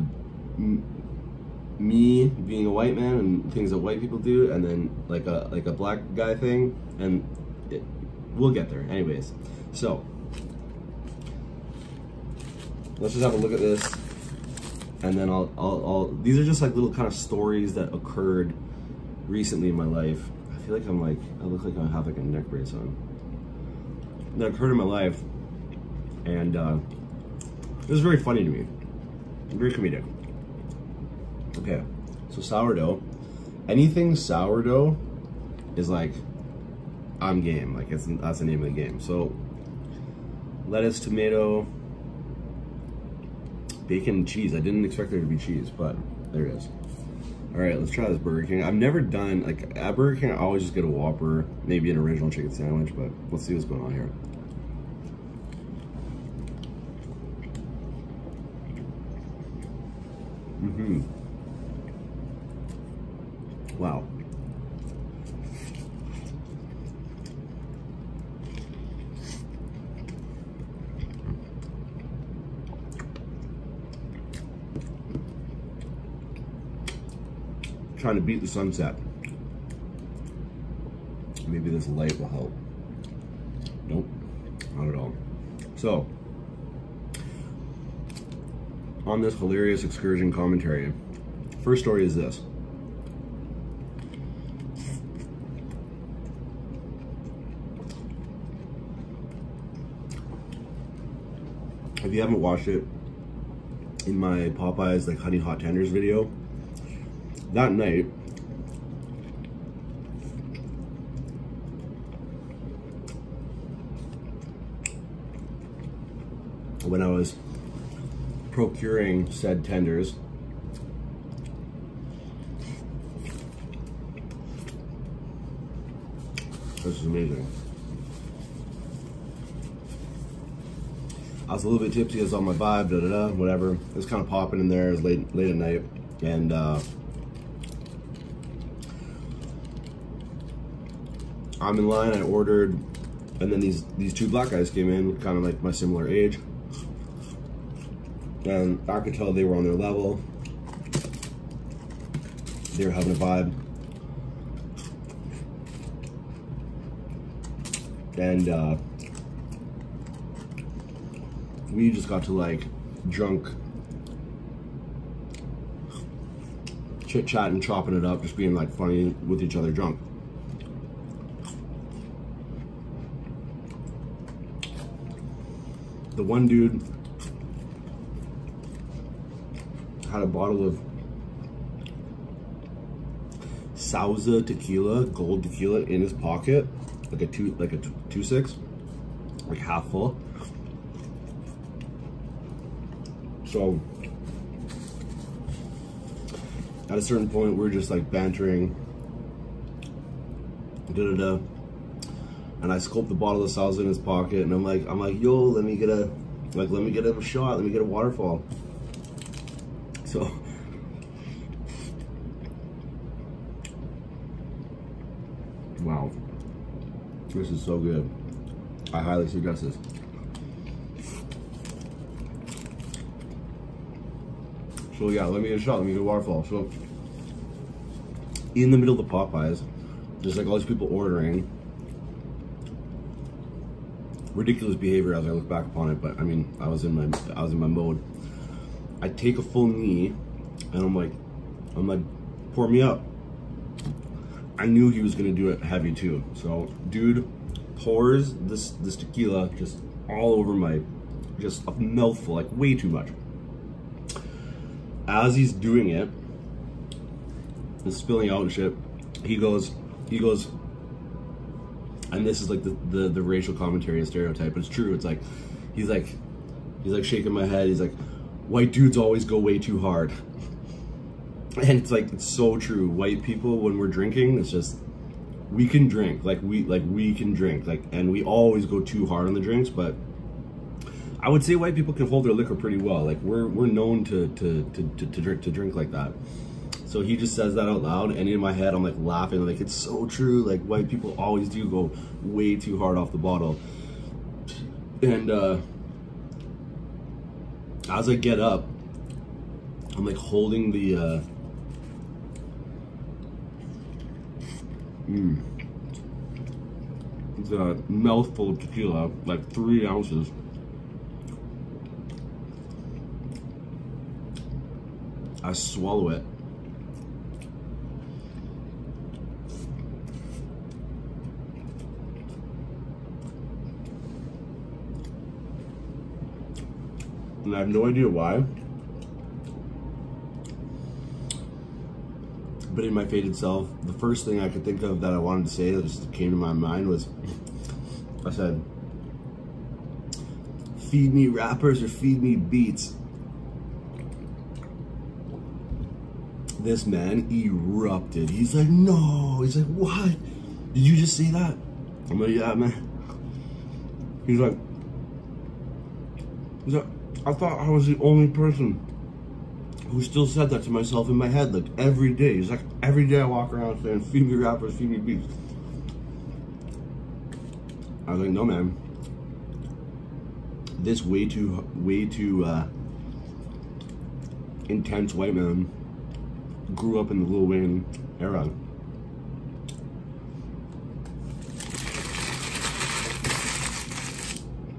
me being a white man and things that white people do, and then like a like a black guy thing, and we'll get there. Anyways, so Let's just have a look at this. And then I'll, these are just like little kind of stories that occurred recently in my life. I feel like I'm like, I look like I have like a neck brace on. That occurred in my life. And uh, it very funny to me. Very comedic. Okay, so sourdough. Anything sourdough is like I'm game. Like it's that's the name of the game. So lettuce, tomato, bacon, cheese. I didn't expect there to be cheese, but there it is. All right, let's try this Burger King. I've never done, like, at Burger King, I always just get a Whopper, maybe an original chicken sandwich, but let's see what's going on here. Mm-hmm. Wow. Trying to beat the sunset. Maybe this light will help. Nope, not at all. So, on this hilarious excursion commentary. First story is this. If you haven't watched it, in my Popeyes like honey hot tenders video, that night, when I was procuring said tenders, This is amazing. I was a little bit tipsy, as on my vibe, da da da, whatever. it's kind of popping in there, it late, late at night. And uh, I'm in line, I ordered, and then these, these two black guys came in, kind of like my similar age. And I could tell they were on their level. They were having a vibe. And uh, we just got to like drunk chit chatting chopping it up, just being like funny with each other drunk. The one dude had a bottle of Sauza tequila, gold tequila in his pocket, like a two, like a two six, like half full. So at a certain point, we're just like bantering, da da da. And I scope the bottle of salsa in his pocket, and I'm like, I'm like, yo, let me get a, like, let me get a shot, let me get a waterfall. So. Wow. This is so good. I highly suggest this. So yeah, let me shot. let me do waterfall. So in the middle of the Popeyes, just like all these people ordering. Ridiculous behavior as I look back upon it, but I mean I was in my I was in my mode. I take a full knee and I'm like I'm like, pour me up. I knew he was gonna do it heavy too. So dude pours this this tequila just all over my just a mouthful, like way too much. As he's doing it, and spilling out and shit, he goes, he goes, and this is like the, the, the racial commentary and stereotype, but it's true. It's like, he's like, he's like shaking my head. He's like, white dudes always go way too hard. and it's like it's so true white people when we're drinking it's just we can drink like we like we can drink like and we always go too hard on the drinks but i would say white people can hold their liquor pretty well like we're we're known to to to, to, to drink to drink like that so he just says that out loud and in my head i'm like laughing like it's so true like white people always do go way too hard off the bottle and uh as I get up, I'm like holding the, uh, hmm, the mouthful of tequila, like three ounces. I swallow it. And I have no idea why. But in my faded self, the first thing I could think of that I wanted to say that just came to my mind was I said, feed me rappers or feed me beats. This man erupted. He's like, no. He's like, what? Did you just see that? I'm like, yeah, man. He's like, he's like, I thought I was the only person who still said that to myself in my head, like every day. He's like, every day I walk around saying, feed me rappers, feed me beats. I was like, no, man. This way too, way too, uh, intense white man grew up in the Lil Wayne era.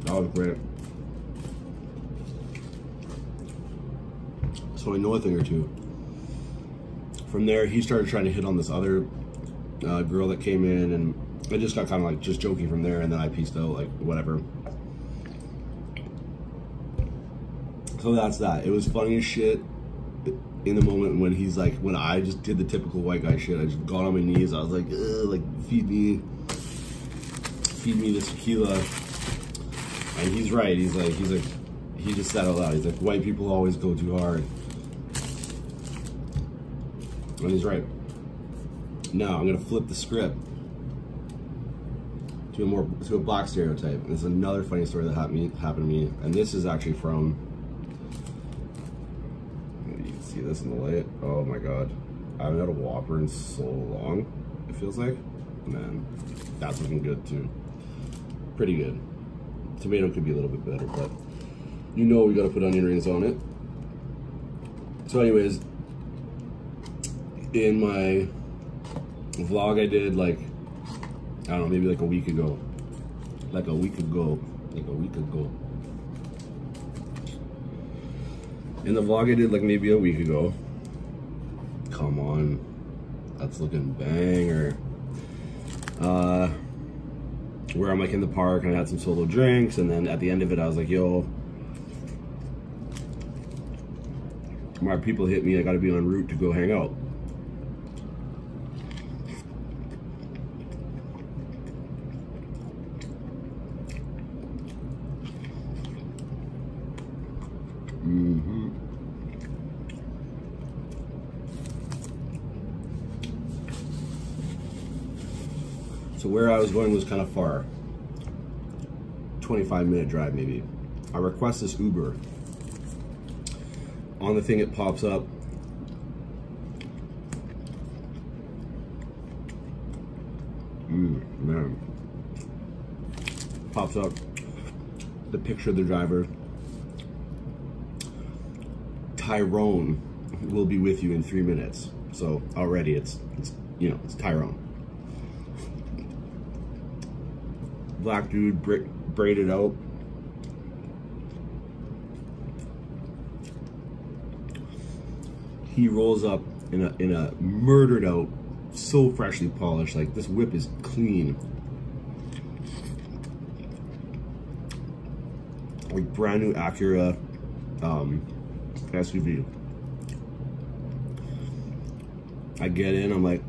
That was great. So I know a thing or two. From there, he started trying to hit on this other uh, girl that came in, and I just got kind of like just joking from there, and then I pieced out like whatever. So that's that. It was funny as shit in the moment when he's like, when I just did the typical white guy shit. I just got on my knees. I was like, like feed me, feed me this tequila. And he's right. He's like, he's like, he just said out loud. He's like, white people always go too hard. And he's right. Now I'm gonna flip the script to a more to a black stereotype. This is another funny story that happened happened to me, and this is actually from. You see this in the light. Oh my god, I haven't had a Whopper in so long. It feels like, man, that's looking good too. Pretty good. Tomato could be a little bit better, but you know we gotta put onion rings on it. So, anyways, in my vlog I did like, I don't know, maybe like a week ago. Like a week ago. Like a week ago. In the vlog I did like maybe a week ago. Come on. That's looking banger. Uh, where I'm like in the park and I had some solo drinks and then at the end of it I was like, yo, my people hit me. I got to be on route to go hang out. Mm hmm So where I was going was kind of far. 25 minute drive maybe. I request this Uber. On the thing it pops up, Mm, man. Pops up the picture of the driver. Tyrone will be with you in three minutes. So already it's, it's you know, it's Tyrone. Black dude bra braided out. He rolls up in a in a murdered out, so freshly polished. Like this whip is clean. Like brand new Acura um, SUV. I get in, I'm like,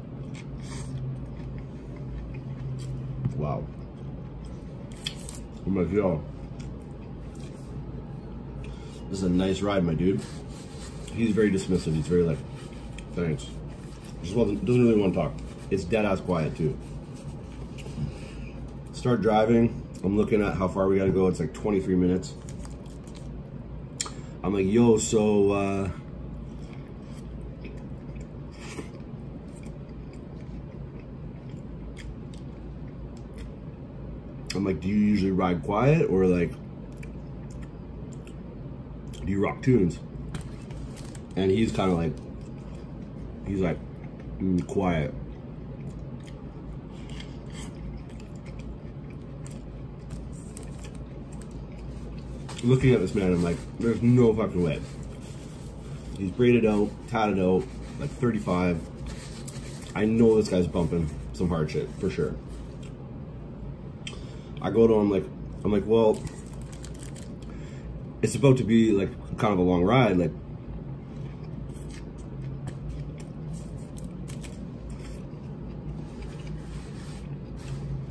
wow. I'm like, yo, this is a nice ride, my dude. He's very dismissive. He's very like, thanks. Just doesn't really want to talk. It's dead ass quiet too. Start driving. I'm looking at how far we gotta go. It's like 23 minutes. I'm like, yo, so, uh, I'm like, do you usually ride quiet or like, do you rock tunes? And he's kind of like, he's like, mm, quiet. Looking at this man, I'm like, there's no fucking way. He's braided out, tatted out, like 35. I know this guy's bumping some hard shit, for sure. I go to him like, I'm like, well, it's about to be like kind of a long ride. Like,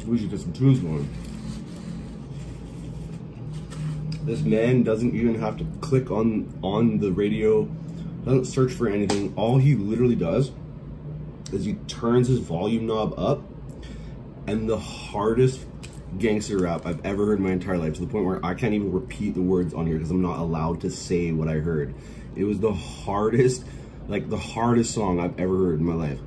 we should get some tunes going. This man doesn't even have to click on on the radio, doesn't search for anything. All he literally does is he turns his volume knob up and the hardest gangster rap I've ever heard my entire life to the point where I can't even repeat the words on here because I'm not allowed to say what I heard. It was the hardest like the hardest song I've ever heard in my life.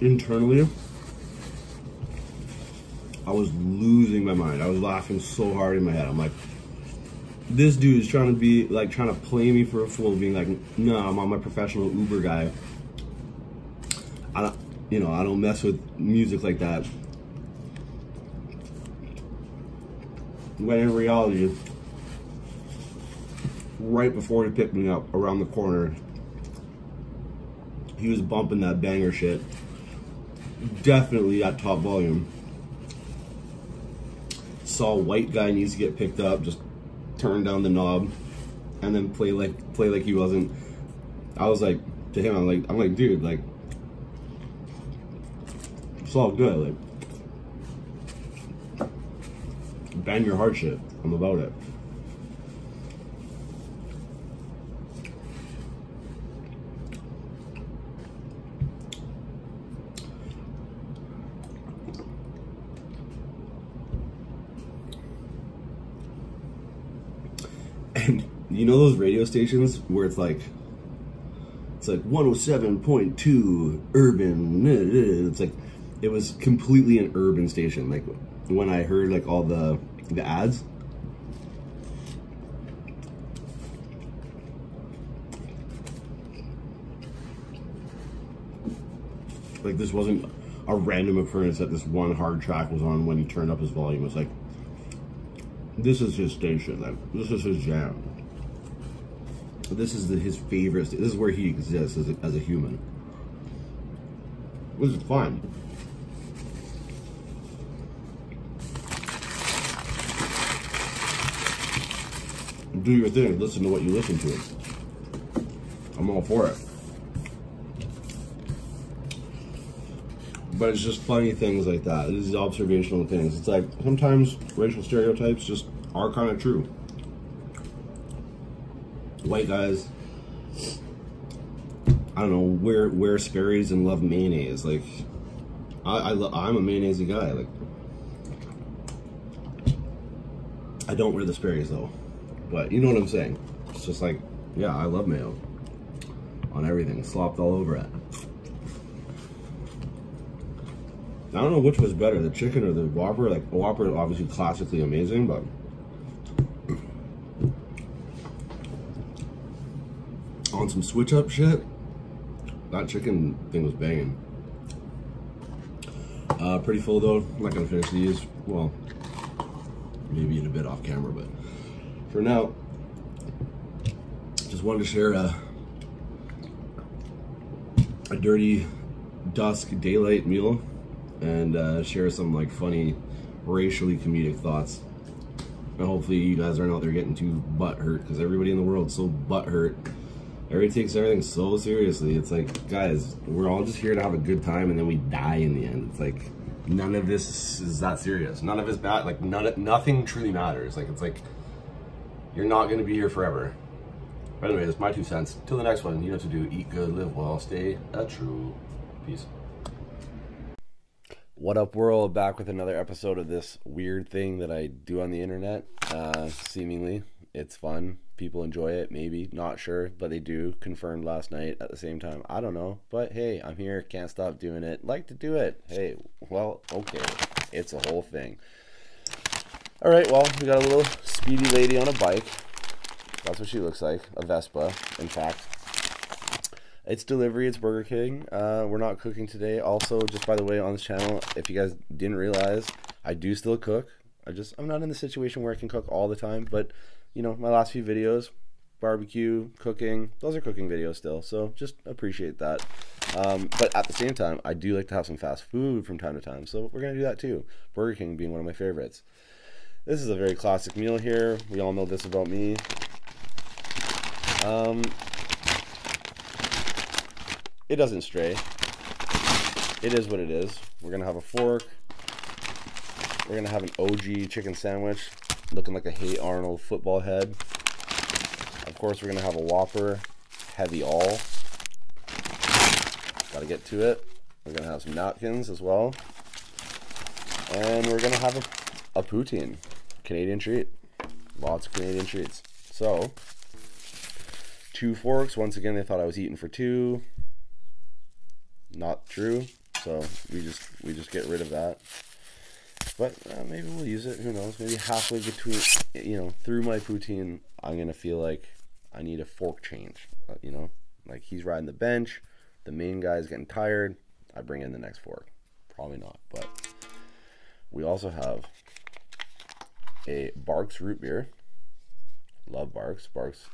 Internally, I was losing my mind. I was laughing so hard in my head. I'm like, this dude is trying to be like trying to play me for a fool, being like, no, I'm on my professional Uber guy. I don't, you know, I don't mess with music like that. When in reality, right before he picked me up around the corner, he was bumping that banger shit. Definitely at top volume. Saw white guy needs to get picked up, just turn down the knob and then play like play like he wasn't. I was like to him, I'm like I'm like, dude, like it's all good. Like, ban your hard shit. I'm about it. And you know those radio stations where it's like, it's like 107.2 urban. It's like, it was completely an urban station. Like when I heard like all the, the ads, like this wasn't a random occurrence that this one hard track was on when he turned up his volume. It's like this is his station. Like this is his jam. This is his favorite. This is where he exists as a, as a human. This is fun. Do your thing. Listen to what you listen to. I'm all for it. But it's just funny things like that. These observational things. It's like sometimes racial stereotypes just are kind of true. White guys, I don't know, wear wear Sperry's and love mayonnaise. Like, I, I I'm a mayonnaise guy. Like, I don't wear the Sperry's though. But you know what I'm saying. It's just like, yeah, I love mayo on everything, slopped all over it. I don't know which was better, the chicken or the Whopper. Like, Whopper obviously classically amazing, but... on some switch-up shit, that chicken thing was banging. Uh, pretty full though. I'm not gonna finish these. Well, maybe in a bit off camera, but for now, just wanted to share a, a dirty dusk daylight meal and uh, share some like funny racially comedic thoughts. And hopefully you guys aren't out there getting too butthurt because everybody in the world's so butthurt. Everybody takes everything so seriously. It's like, guys, we're all just here to have a good time and then we die in the end. It's like, none of this is that serious. None of it's bad. Like none, nothing truly matters. Like it's like you're not gonna be here forever. But anyway, that's my two cents. Till the next one, you know to do. Eat good, live well, stay a true. Peace. What up, world? Back with another episode of this weird thing that I do on the internet. Uh, seemingly, it's fun. People enjoy it, maybe. Not sure, but they do. Confirmed last night at the same time. I don't know. But hey, I'm here, can't stop doing it. Like to do it. Hey, well, okay. It's a whole thing. All right, well, we got a little speedy lady on a bike. That's what she looks like, a Vespa, in fact. It's delivery, it's Burger King. Uh, we're not cooking today. Also, just by the way, on this channel, if you guys didn't realize, I do still cook. I just, I'm not in the situation where I can cook all the time, but, you know, my last few videos, barbecue, cooking. Those are cooking videos still, so just appreciate that. Um, but at the same time, I do like to have some fast food from time to time, so we're gonna do that too. Burger King being one of my favorites. This is a very classic meal here. We all know this about me. Um, it doesn't stray. It is what it is. We're gonna have a fork. We're gonna have an OG chicken sandwich looking like a Hey Arnold football head. Of course, we're going to have a Whopper Heavy All. Got to get to it. We're going to have some napkins as well. And we're going to have a, a poutine, Canadian treat. Lots of Canadian treats. So, two forks. Once again, they thought I was eating for two. Not true. So we just we just get rid of that. But uh, maybe we'll use it. Who knows? Maybe halfway between, you know, through my poutine, I'm gonna feel like I need a fork change. Uh, you know, like he's riding the bench, the main guy's getting tired. I bring in the next fork. Probably not, but we also have a Barks root beer. Love Barks. Barks.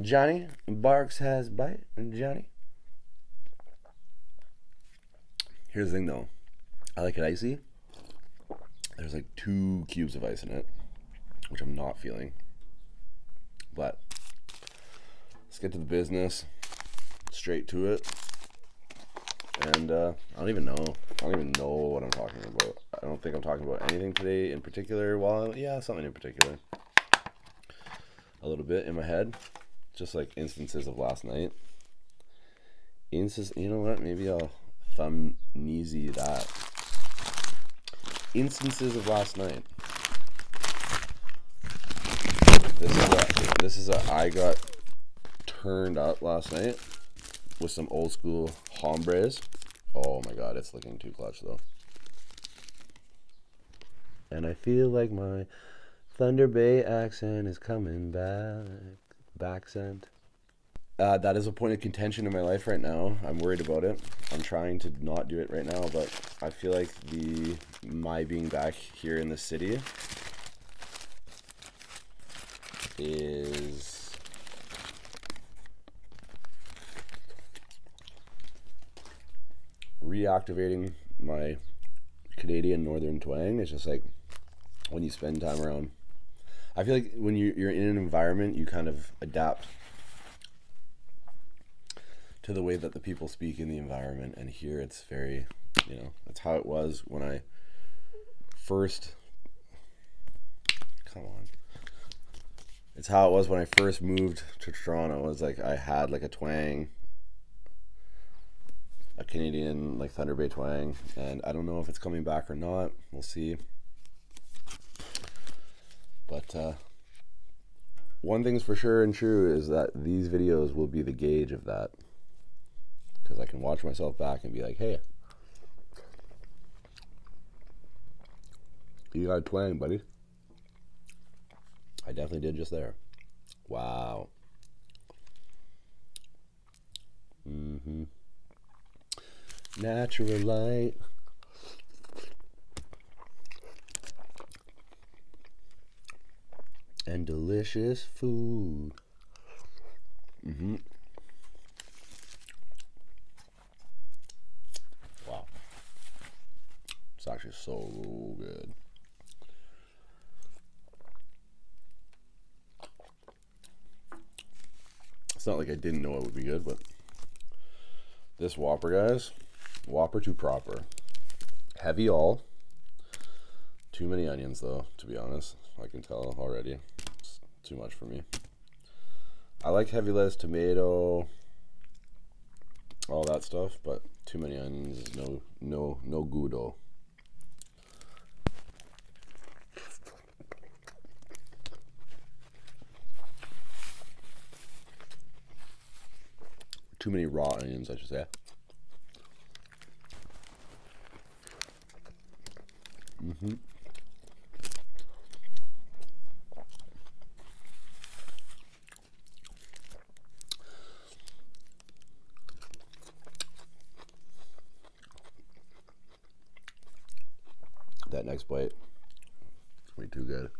Johnny Barks has bite. Johnny. Here's the thing though. I like it icy. There's like two cubes of ice in it, which I'm not feeling. But let's get to the business, straight to it. And uh, I don't even know. I don't even know what I'm talking about. I don't think I'm talking about anything today in particular. Well, yeah, something in particular a little bit in my head, just like instances of last night. Instances, you know what? Maybe I'll thumbneasy that. Instances of last night. This is this is a I got turned up last night with some old school hombres. Oh my god, it's looking too clutch though. And I feel like my Thunder Bay accent is coming back. Baccent. Uh, that is a point of contention in my life right now. I'm worried about it. I'm trying to not do it right now, but I feel like the my being back here in the city is reactivating my Canadian Northern twang. It's just like when you spend time around. I feel like when you, are in an environment, you kind of adapt to the way that the people speak in the environment. And here it's very, you know, that's how it was when I first. Come on. It's how it was when I first moved to Toronto. It was like I had like a twang a Canadian like Thunder Bay twang, and I don't know if it's coming back or not. We'll see. But uh, one thing's for sure and true is that these videos will be the gauge of that, because I can watch myself back and be like, hey. You got twang, buddy. I definitely did just there. Wow. Mm-hmm. Natural light. And delicious food. Mm-hmm. Wow. It's actually so good. It's not like I didn't know it would be good, but this Whopper, guys, Whopper too proper. Heavy all. Too many onions, though, to be honest. I can tell already. It's too much for me. I like heavy less tomato, all that stuff, but too many onions is no, no, no gudo. Too many raw onions, I should say. hmm that next bite, it's gonna be too good.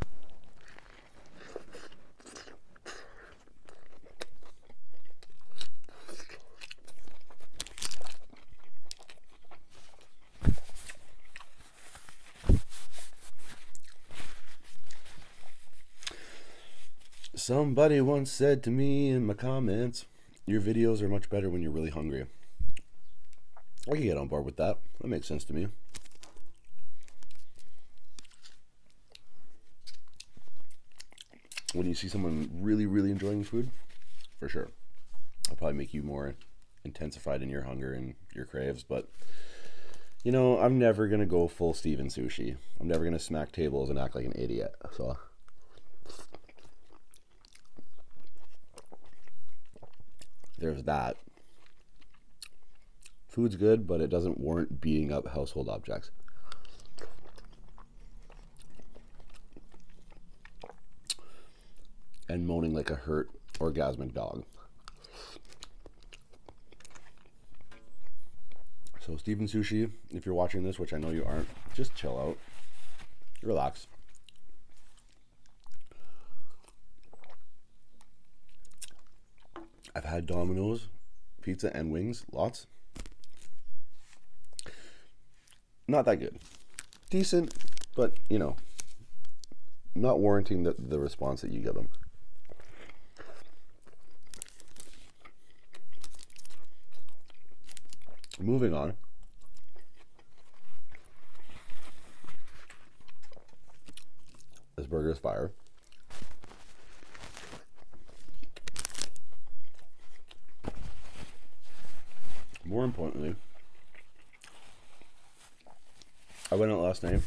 Somebody once said to me in my comments, Your videos are much better when you're really hungry. I can get on board with that. That makes sense to me. When you see someone really, really enjoying food, for sure. it will probably make you more intensified in your hunger and your craves, but you know, I'm never going to go full Steven sushi. I'm never gonna smack tables and act like an idiot. So. There's that. Food's good, but it doesn't warrant beating up household objects. And moaning like a hurt orgasmic dog. So, Steven Sushi, if you're watching this, which I know you aren't, just chill out, relax. I've had Domino's pizza and wings lots. Not that good. Decent, but you know, not warranting the, the response that you give them. Moving on. This burger is fire. More importantly, I went out last night.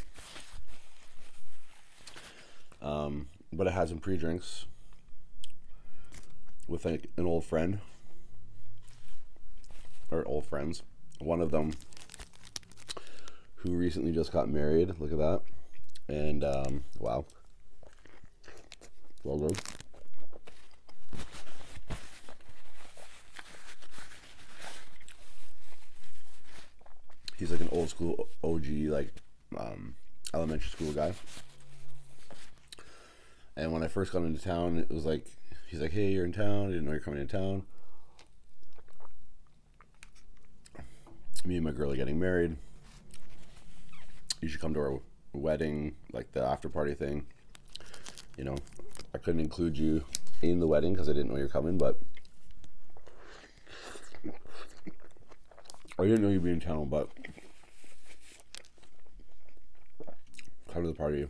Um, but I had some pre-drinks with like an old friend or old friends. One of them who recently just got married. Look at that. And um, wow. Well done. He's like an old school OG, like um, elementary school guy. And when I first got into town, it was like, he's like, hey, you're in town. I didn't know you're coming in town. Me and my girl are getting married. You should come to our wedding, like the after party thing. You know, I couldn't include you in the wedding because I didn't know you're coming, but I didn't know you'd be in town, but come to the party.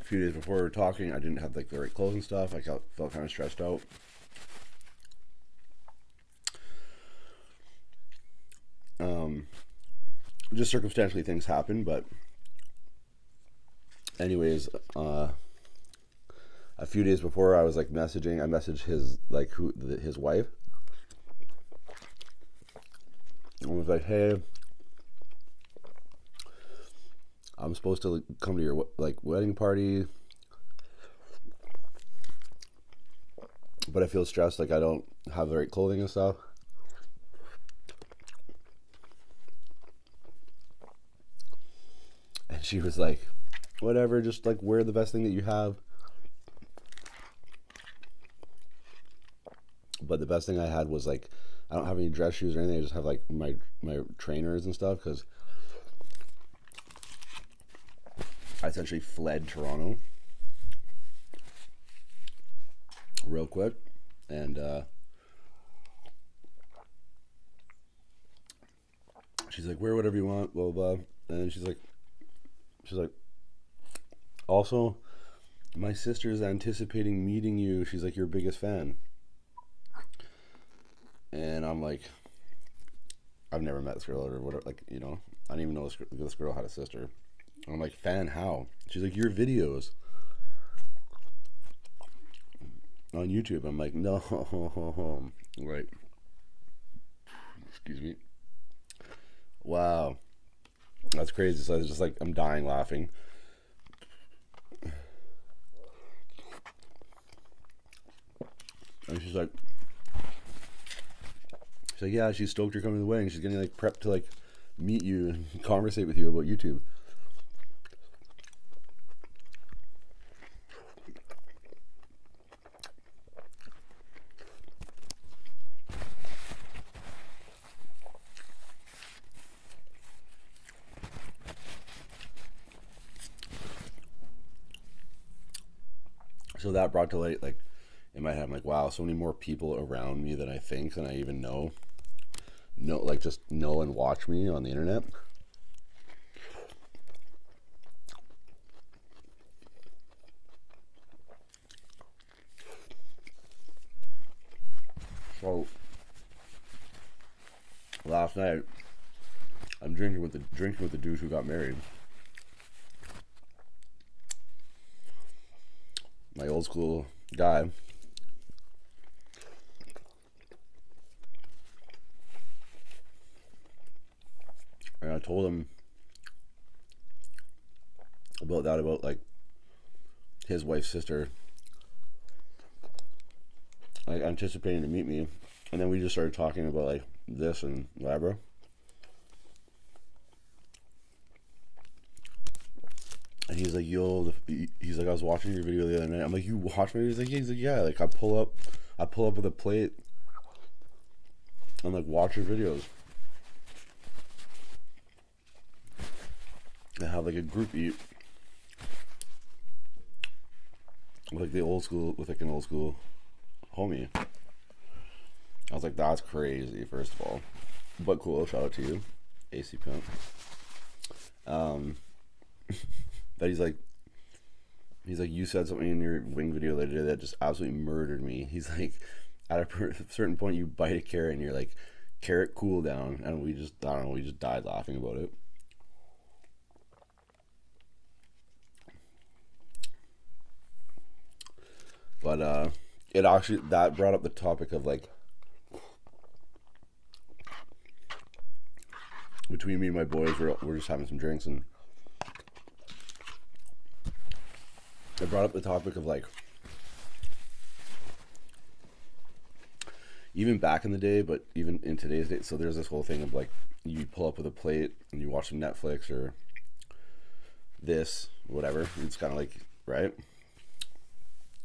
A few days before we were talking, I didn't have like the right clothes and stuff. I felt kind of stressed out. Um, just circumstantially things happen, but anyways, uh, a few days before I was like messaging, I messaged his like who the, his wife. And was like, hey, I'm supposed to come to your like wedding party but I feel stressed, like I don't have the right clothing and stuff. And she was like, whatever, just like wear the best thing that you have. But the best thing I had was like, I don't have any dress shoes or anything. I just have like my my trainers and stuff because I essentially fled Toronto real quick and uh, she's like wear whatever you want blah blah, and she's like she's like also my sister is anticipating meeting you she's like your biggest fan and i'm like I've never met this girl or whatever. Like, you know, I didn't even know this, girl had a sister. I'm like, fan, how? She's like, your videos on YouTube. I'm like, no, right. Excuse me. Wow, that's crazy. So I was just like, I'm dying laughing. And she's like, she's like, yeah, she's stoked you coming the way, and She's getting like prepped to like meet you and conversate with you about YouTube. So that brought to light, like in my head, like, wow, so many more people around me than I think than I even know. Know like just know and watch me on the internet. So last night I'm drinking with the drinking with the dude who got married my old school guy and I told him about that about like his wife's sister like anticipating to meet me and then we just started talking about like this and Labra and he's like, yo, he's like, I was watching your video the other night. I'm like, you watch my video? He's like, yeah. like, I pull up, I pull up with a plate. and like, watch your videos. And have like a group eat. Like the old school, with like an old school homie. I was like, that's crazy, first of all. But cool, shout out to you, AC Pimp. Um, that he's like, he's like, you said something in your wing video the other day that just absolutely murdered me. He's like, at a certain point, you bite a carrot and you're like, carrot cool down. And we just, I don't know, we just died laughing about it. But uh, it actually that brought up the topic of like between me and my boys, we're, we're just having some drinks and it brought up the topic of like even back in the day, but even in today's day. So there's this whole thing of like you pull up with a plate and you watch some Netflix or this, whatever. It's kind of like, right?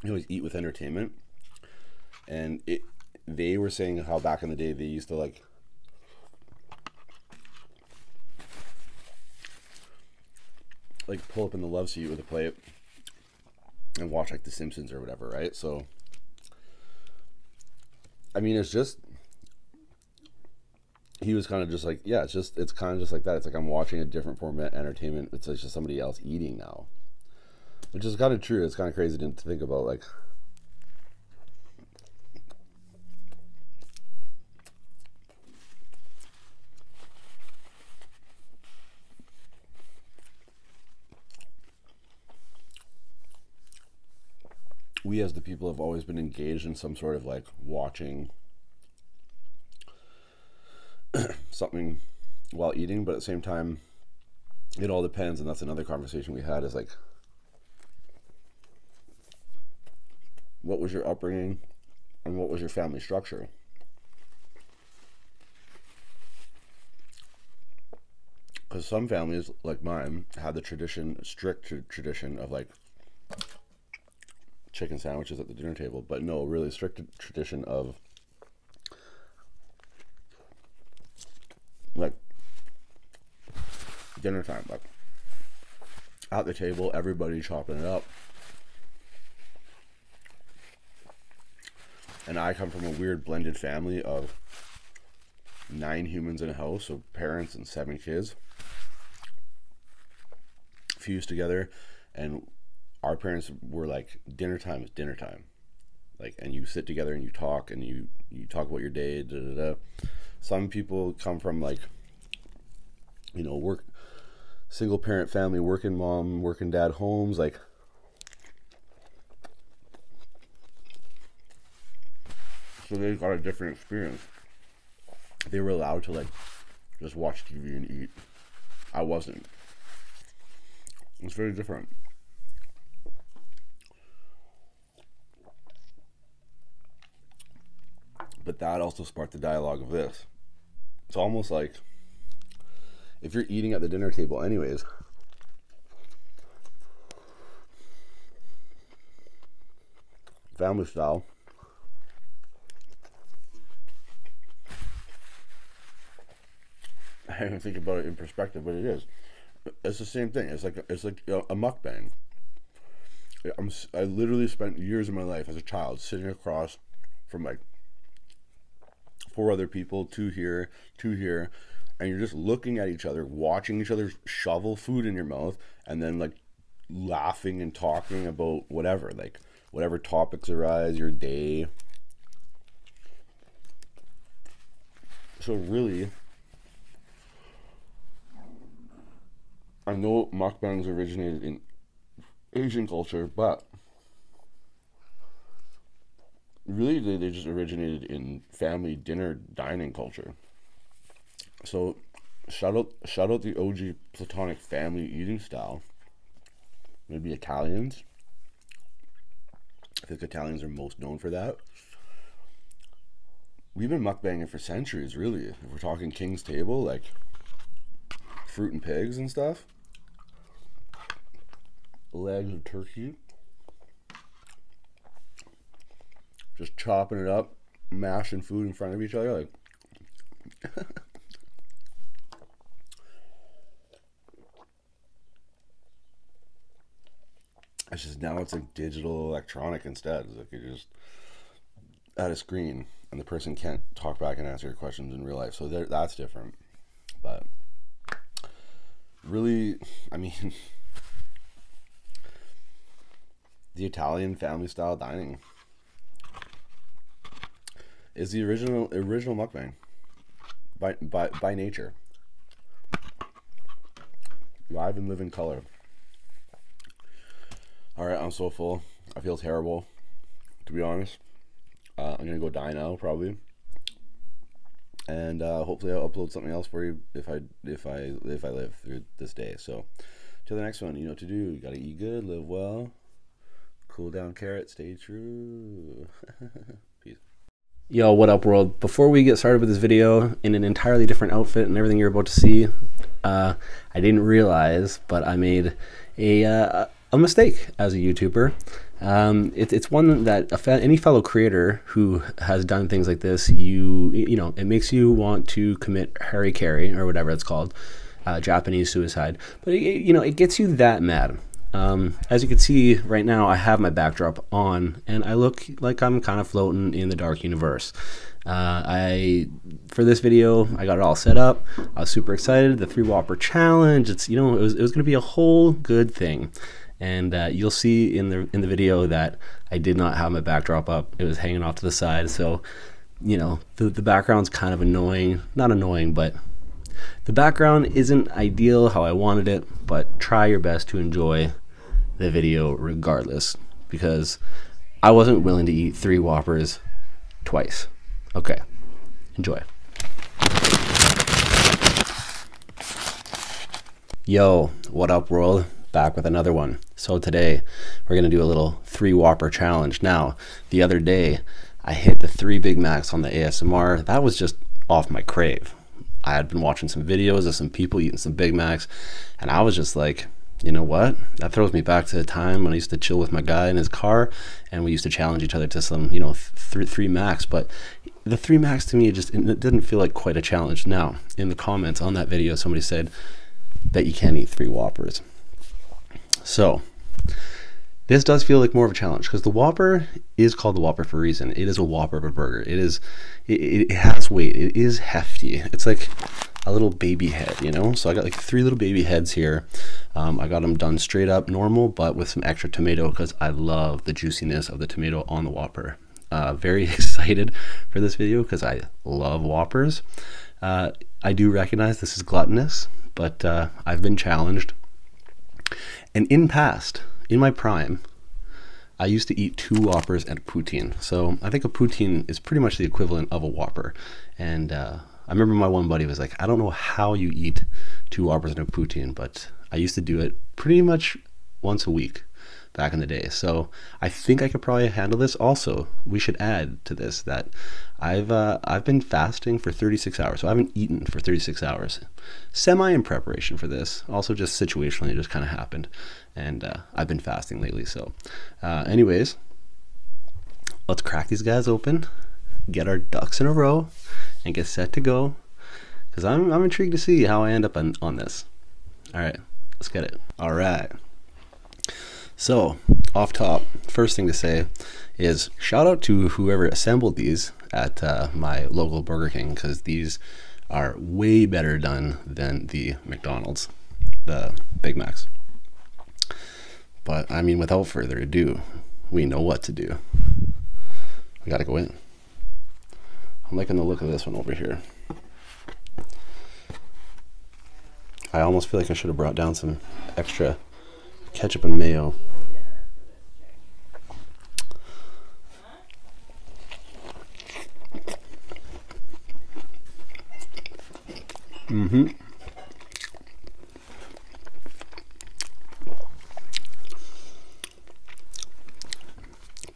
You always eat with entertainment. And it, they were saying how back in the day they used to like like pull up in the loveseat with a plate and watch like The Simpsons or whatever, right? So, I mean, it's just he was kind of just like, yeah, it's just, it's kind of just like that. It's like I'm watching a different format entertainment. It's like just somebody else eating now, which is kind of true. It's kind of crazy to think about, like we as the people have always been engaged in some sort of like watching something while eating, but at the same time, it all depends, and that's another conversation we had is like, what was your upbringing and what was your family structure? Because some families, like mine, had the tradition, strict tradition of like, chicken sandwiches at the dinner table, but no, really strict tradition of like dinner time, like at the table, everybody chopping it up. And I come from a weird blended family of nine humans in a house, so parents and seven kids, fused together. And our parents were like, dinner time is dinner time. Like, and you sit together and you talk and you, you talk about your day. Some people come from like, you know, work, single parent family, working mom, working dad homes. Like, so they got a different experience they were allowed to like just watch TV and eat. I wasn't. It was very different. But that also sparked the dialogue of this. It's almost like if you're eating at the dinner table, anyways, family style. I didn't think about it in perspective, but it is. It's the same thing. It's like a, it's like a mukbang. I'm I literally spent years of my life as a child sitting across from like four other people, two here, two here, and you're just looking at each other, watching each other shovel food in your mouth, and then like laughing and talking about whatever, like whatever topics arise, your day. So really, I know mukbangs originated in Asian culture, but really they just originated in family dinner dining culture. So, shout out, shout out the OG platonic family eating style. Maybe Italians. I think Italians are most known for that. We've been mukbanging for centuries, really. If we're talking King's Table, like fruit and pigs and stuff, legs of turkey, just chopping it up mashing food in front of each other, like. it's just now it's like digital electronic instead. It's like you just at a screen and the person can't talk back and answer your questions in real life. So that's different. But really, I mean, the Italian family style dining is the original original mukbang by by by nature. Live and live in color. All right, I'm so full. I feel terrible, to be honest. Uh, I'm gonna go die now probably, and uh, hopefully I'll upload something else for you if I if I if I live through this day. So, to the next one, you know what to do. You gotta eat good, live well, cool down, carrot, stay true. Peace. Yo, what up, world? Before we get started with this video in an entirely different outfit and everything you're about to see, uh, I didn't realize, but I made a uh, a mistake as a YouTuber. Um, it's one that any fellow creator who has done things like this, you you know, it makes you want to Commit Harry harikari or whatever it's called, uh, Japanese suicide. But you know, it gets you that mad. Um, as you can see right now, I have my backdrop on, and I look like I'm kind of floating in the dark universe. Uh, I for this video, I got it all set up. I was super excited. The three whopper challenge. It's you know, it was it was going to be a whole good thing, and uh, you'll see in the in the video that I did not have my backdrop up. It was hanging off to the side. So you know, the, the background's kind of annoying. Not annoying, but the background isn't ideal how I wanted it, but try your best to enjoy the video regardless because I wasn't willing to eat three Whoppers twice. Okay, enjoy. Yo, what up, world? Back with another one. So today we're gonna do a little three Whopper challenge. Now, the other day I hit the three Big Macs on the ASMR. That was just off my crave. I had been watching some videos of some people eating some Big Macs and I was just like, you know what? That throws me back to the time when I used to chill with my guy in his car and we used to challenge each other to some, you know, three Macs. But the three Macs to me, just it didn't feel like quite a challenge. Now, in the comments on that video, somebody said, that you can not eat three Whoppers. So this does feel like more of a challenge because the Whopper is called the Whopper for a reason. It is a Whopper of a burger. It is, it, has weight. It is hefty. It's like a little baby head, you know? So I got like three little baby heads here. Um, I got them done straight up normal, but with some extra tomato because I love the juiciness of the tomato on the Whopper. Uh, very excited for this video because I love Whoppers. Uh, I do recognize this is gluttonous, but uh, I've been challenged. And in past, in my prime, I used to eat two Whoppers and a poutine. So I think a poutine is pretty much the equivalent of a Whopper. And uh, I remember my one buddy was like, I don't know how you eat two Whoppers and a poutine, but I used to do it pretty much once a week back in the day. So I think I could probably handle this. Also, we should add to this that I've uh, I've been fasting for 36 hours, so I haven't eaten for 36 hours, semi in preparation for this. Also, just situationally, it just kind of happened, and uh, I've been fasting lately. So, uh, anyways, let's crack these guys open, get our ducks in a row, and get set to go. Because I'm, I'm intrigued to see how I end up on this. All right, let's get it. All right. So, off top, first thing to say is shout out to whoever assembled these at uh, my local Burger King because these are way better done than the McDonald's, the Big Macs. But I mean, without further ado, we know what to do. We gotta go in. I'm liking the look of this one over here. I almost feel like I should have brought down some extra ketchup and mayo. Mm-hmm.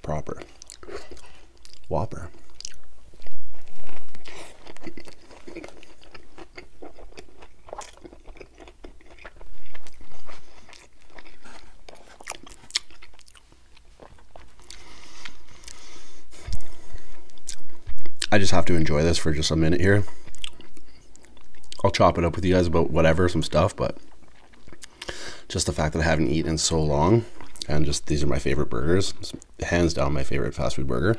Proper. Whopper. I just have to enjoy this for just a minute here. I'll chop it up with you guys about whatever, some stuff, but just the fact that I haven't eaten in so long, and just these are my favorite burgers hands down my favorite fast food burger.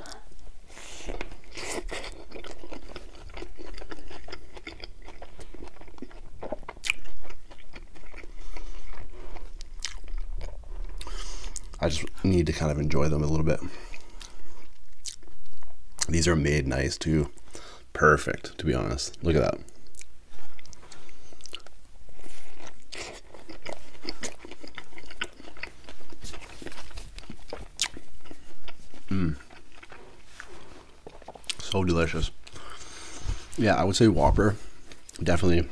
I just need to kind of enjoy them a little bit. These are made nice too. Perfect, to be honest. Look at that. Mmm. So delicious. Yeah, I would say Whopper definitely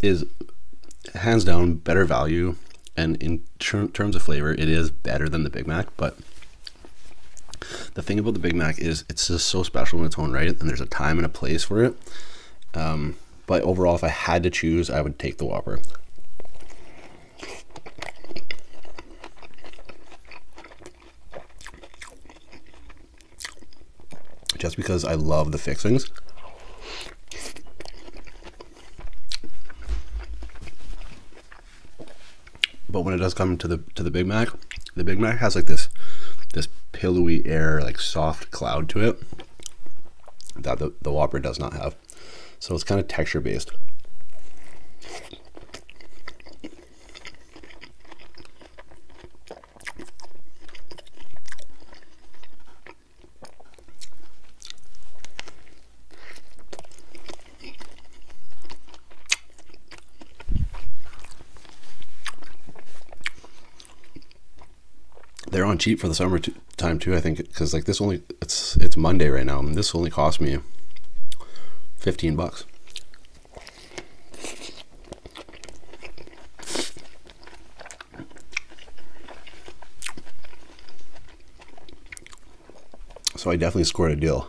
is hands down better value. And in terms of flavor, it is better than the Big Mac. But the thing about the Big Mac is it's just so special in its own right. And there's a time and a place for it. Um, but overall, if I had to choose, I would take the Whopper. Just because I love the fixings. But when it does come to the to the Big Mac, the Big Mac has like this this pillowy air, like soft cloud to it that the, the Whopper does not have. So it's kind of texture based they're on cheap for the summertime too. I think because like this only it's it's Monday right now, and this only cost me fifteen bucks. So I definitely scored a deal.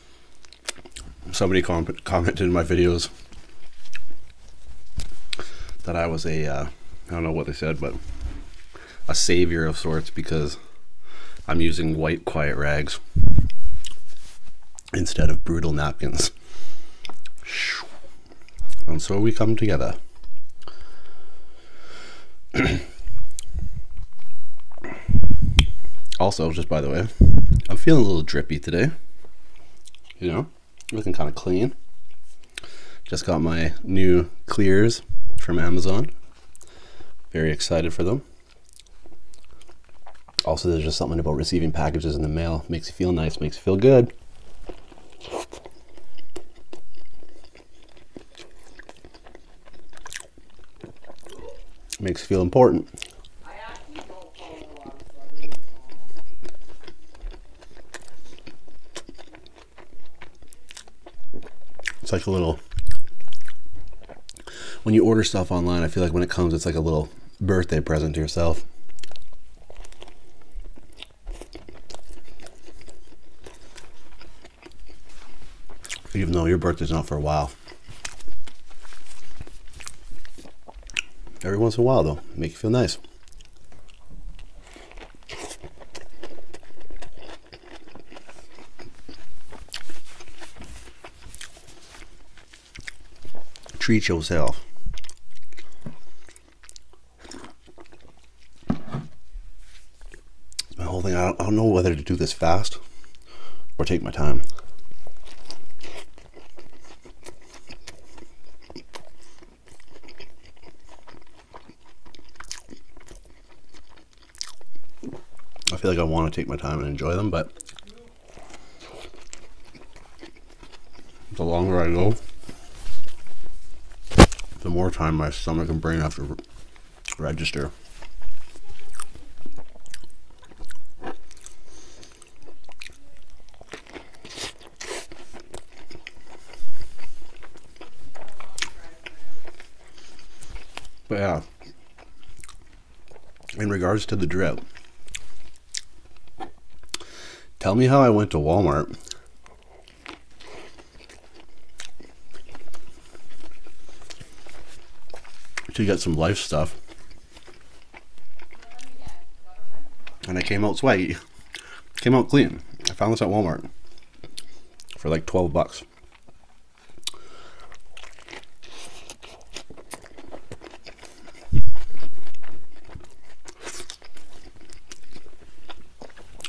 Somebody commented in my videos that I was ai uh, don't know what they said, but a savior of sorts because I'm using white quiet rags instead of brutal napkins. And so we come together. also, just by the way, I'm feeling a little drippy today you know, looking kind of clean. Just got my new clears from Amazon. Very excited for them. Also, there's just something about receiving packages in the mail. Makes you feel nice, makes you feel good. Makes you feel important. It's like a little. When you order stuff online, I feel like when it comes, it's like a little birthday present to yourself. Even though your birthday's not for a while. Every once in a while, though, make you feel nice. Treat yourself. It's whole thing. I don't know whether to do this fast or take my time. I feel like I want to take my time and enjoy them, but the longer I go, the more time my stomach and brain have to register. But yeah, in regards to the drip, tell me how I went to Walmart. To get some life stuff and I came out sweaty. Came out clean. I found this at Walmart for like 12 bucks.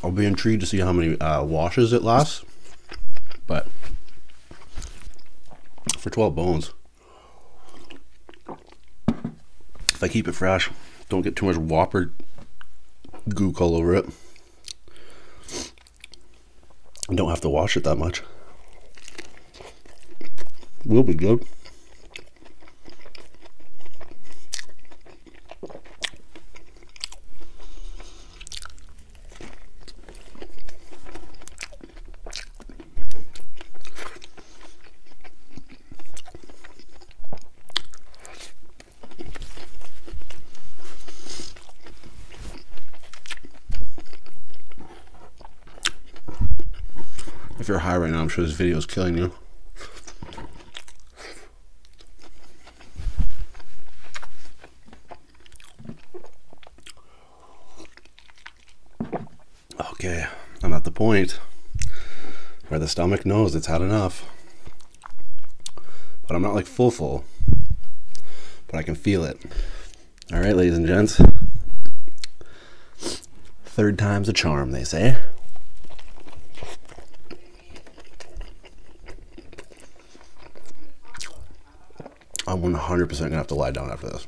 I'll be intrigued to see how many uh, washes it lasts, but for 12 bones. If I keep it fresh, don't get too much whopper goo all over it. I don't have to wash it that much. Will be good. If you're high right now, I'm sure this video is killing you. Okay, I'm at the point where the stomach knows it's had enough. But I'm not like full full, but I can feel it. All right, ladies and gents. Third time's a charm, they say. I'm 100% gonna have to lie down after this.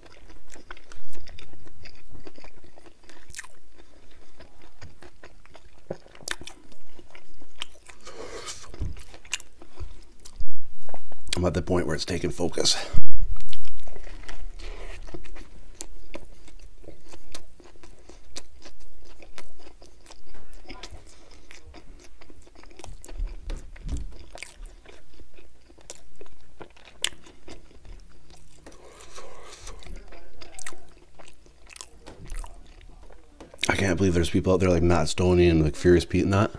I'm at the point where it's taking focus. I can't believe there's people out there like Matt Stoney and like Furious Pete and that.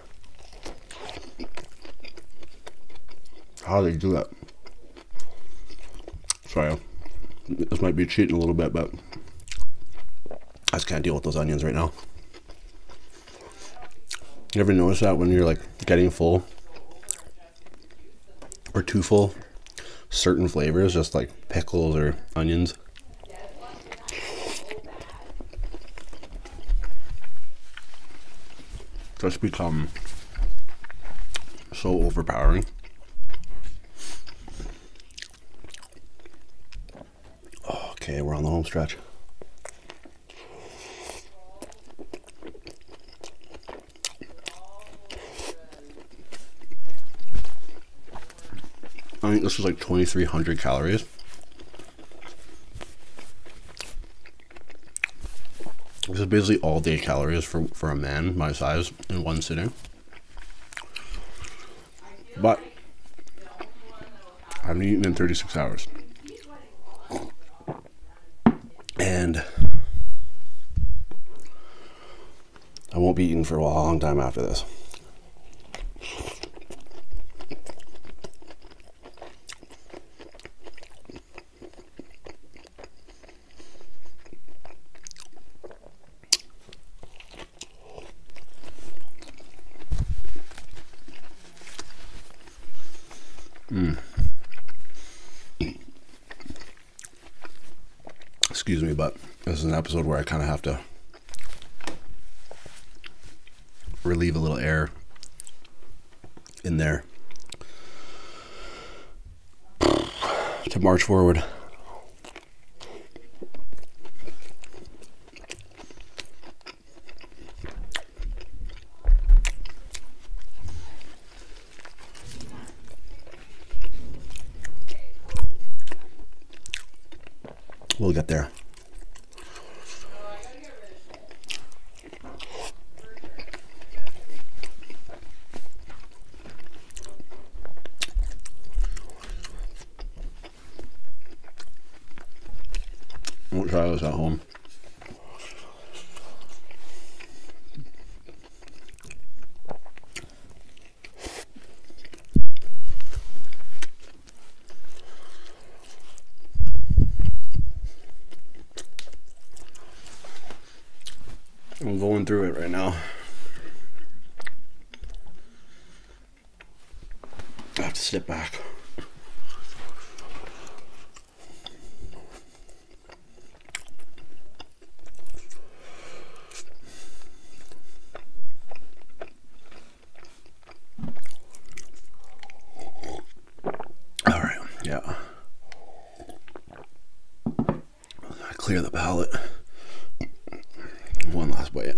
How do they do that? Sorry, this might be cheating a little bit, but I just can't deal with those onions right now. You ever notice that when you're like getting full or too full certain flavors, just like pickles or onions. Just become so overpowering. Okay, we're on the home stretch. I think this is like 2,300 calories. This is basically all day calories for, for a man my size in one sitting. But I haven't eaten in 36 hours and I won't be eating for a long time after this. Mm. Excuse me, but this is an episode where I kind of have to relieve a little air in there to march forward. We'll get there. We'll try this at home. I'm going through it right now. I have to step back. All right, yeah. clear the palate. One last bite.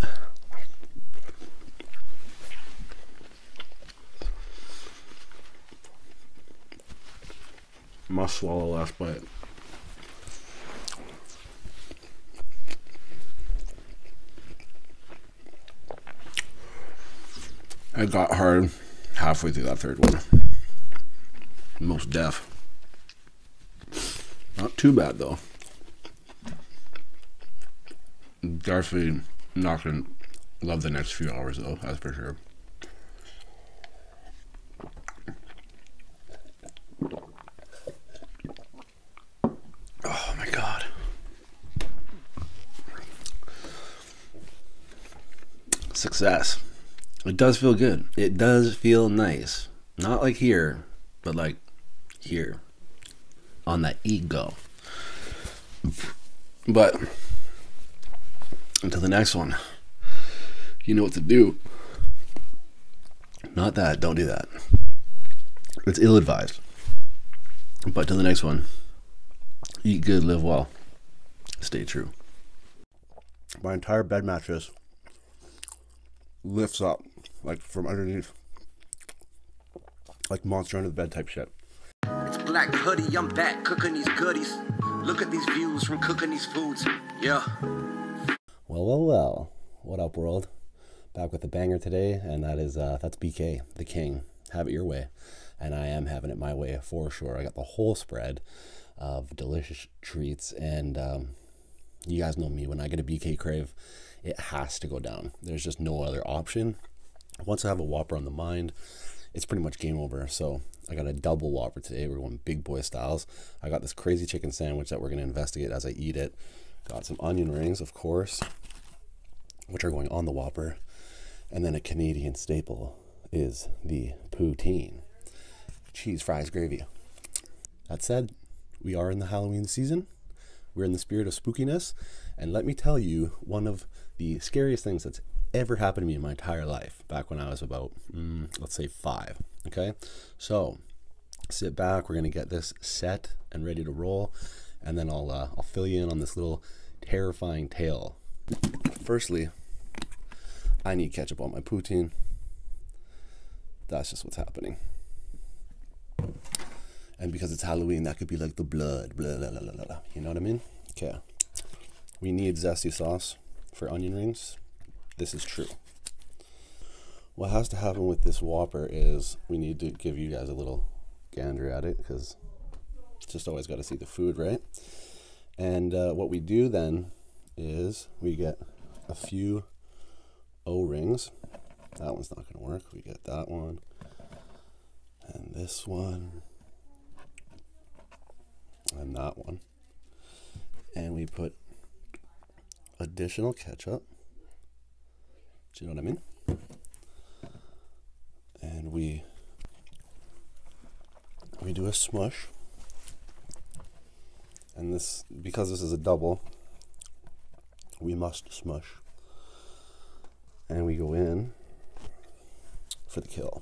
Must swallow last bite. I got hard halfway through that third one. Most deaf. Not too bad though. Definitely not gonna love the next few hours though, that's for sure. Oh my god. Success. It does feel good. It does feel nice. Not like here, but like here on that ego. But until the next one you know what to do. Not that. Don't do that. It's ill advised. But to the next one eat good, live well, stay true. My entire bed mattress lifts up, like from underneath, like monster under the bed type shit. It's black hoodie, I'm back cooking these goodies. Look at these views from cooking these foods. Yeah. Well, well, well. What up, world? Back with the banger today, and that is uh, that's BK, the king. Have it your way, and I am having it my way for sure. I got the whole spread of delicious treats, and um, you guys know me. When I get a BK crave, it has to go down. There's just no other option. Once I have a Whopper on the mind, it's pretty much game over. So I got a double whopper today. We're going big boy styles. I got this crazy chicken sandwich that we're going to investigate as I eat it. Got some onion rings, of course, which are going on the whopper. And then a Canadian staple is the poutine. Cheese, fries, gravy. That said, we are in the Halloween season. We're in the spirit of spookiness. And let me tell you one of the scariest things that's ever happened to me in my entire life back when I was about, mm, let's say, five. Okay, so sit back. We're gonna get this set and ready to roll, and then I'll uh, I'll fill you in on this little terrifying tale. Firstly, I need ketchup on my poutine. That's just what's happening. And because it's Halloween, that could be like the blood, You know what I mean? Okay. We need zesty sauce for onion rings, this is true. What has to happen with this Whopper is we need to give you guys a little gander at it because just always got to see the food, right? And uh, what we do then is we get a few O-rings. That one's not going to work. We get that one and this one and that one and we put additional ketchup. Do you know what I mean? And we we do a smush. And this because this is a double, we must smush. And we go in for the kill.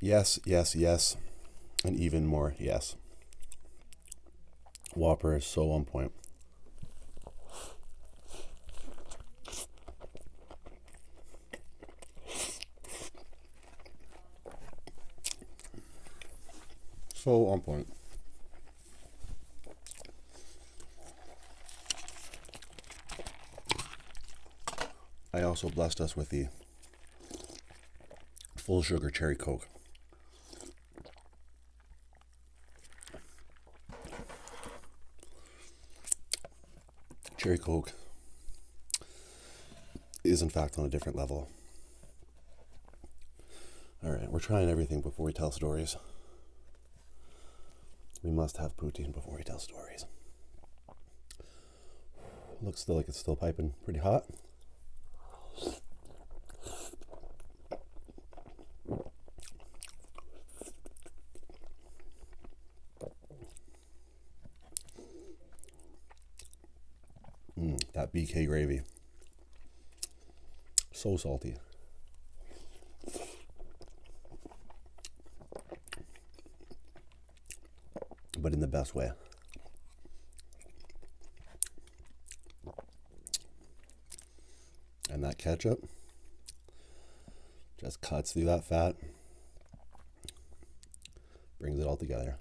Yes, yes, yes, and even more yes. Whopper is so on point. So on point. I also blessed us with the full sugar cherry coke. Cherry coke is in fact on a different level. All right, we're trying everything before we tell stories. We must have poutine before we tell stories. Looks still like it's still piping pretty hot. Mm, that BK gravy. So salty but in the best way. And that ketchup just cuts through that fat, brings it all together.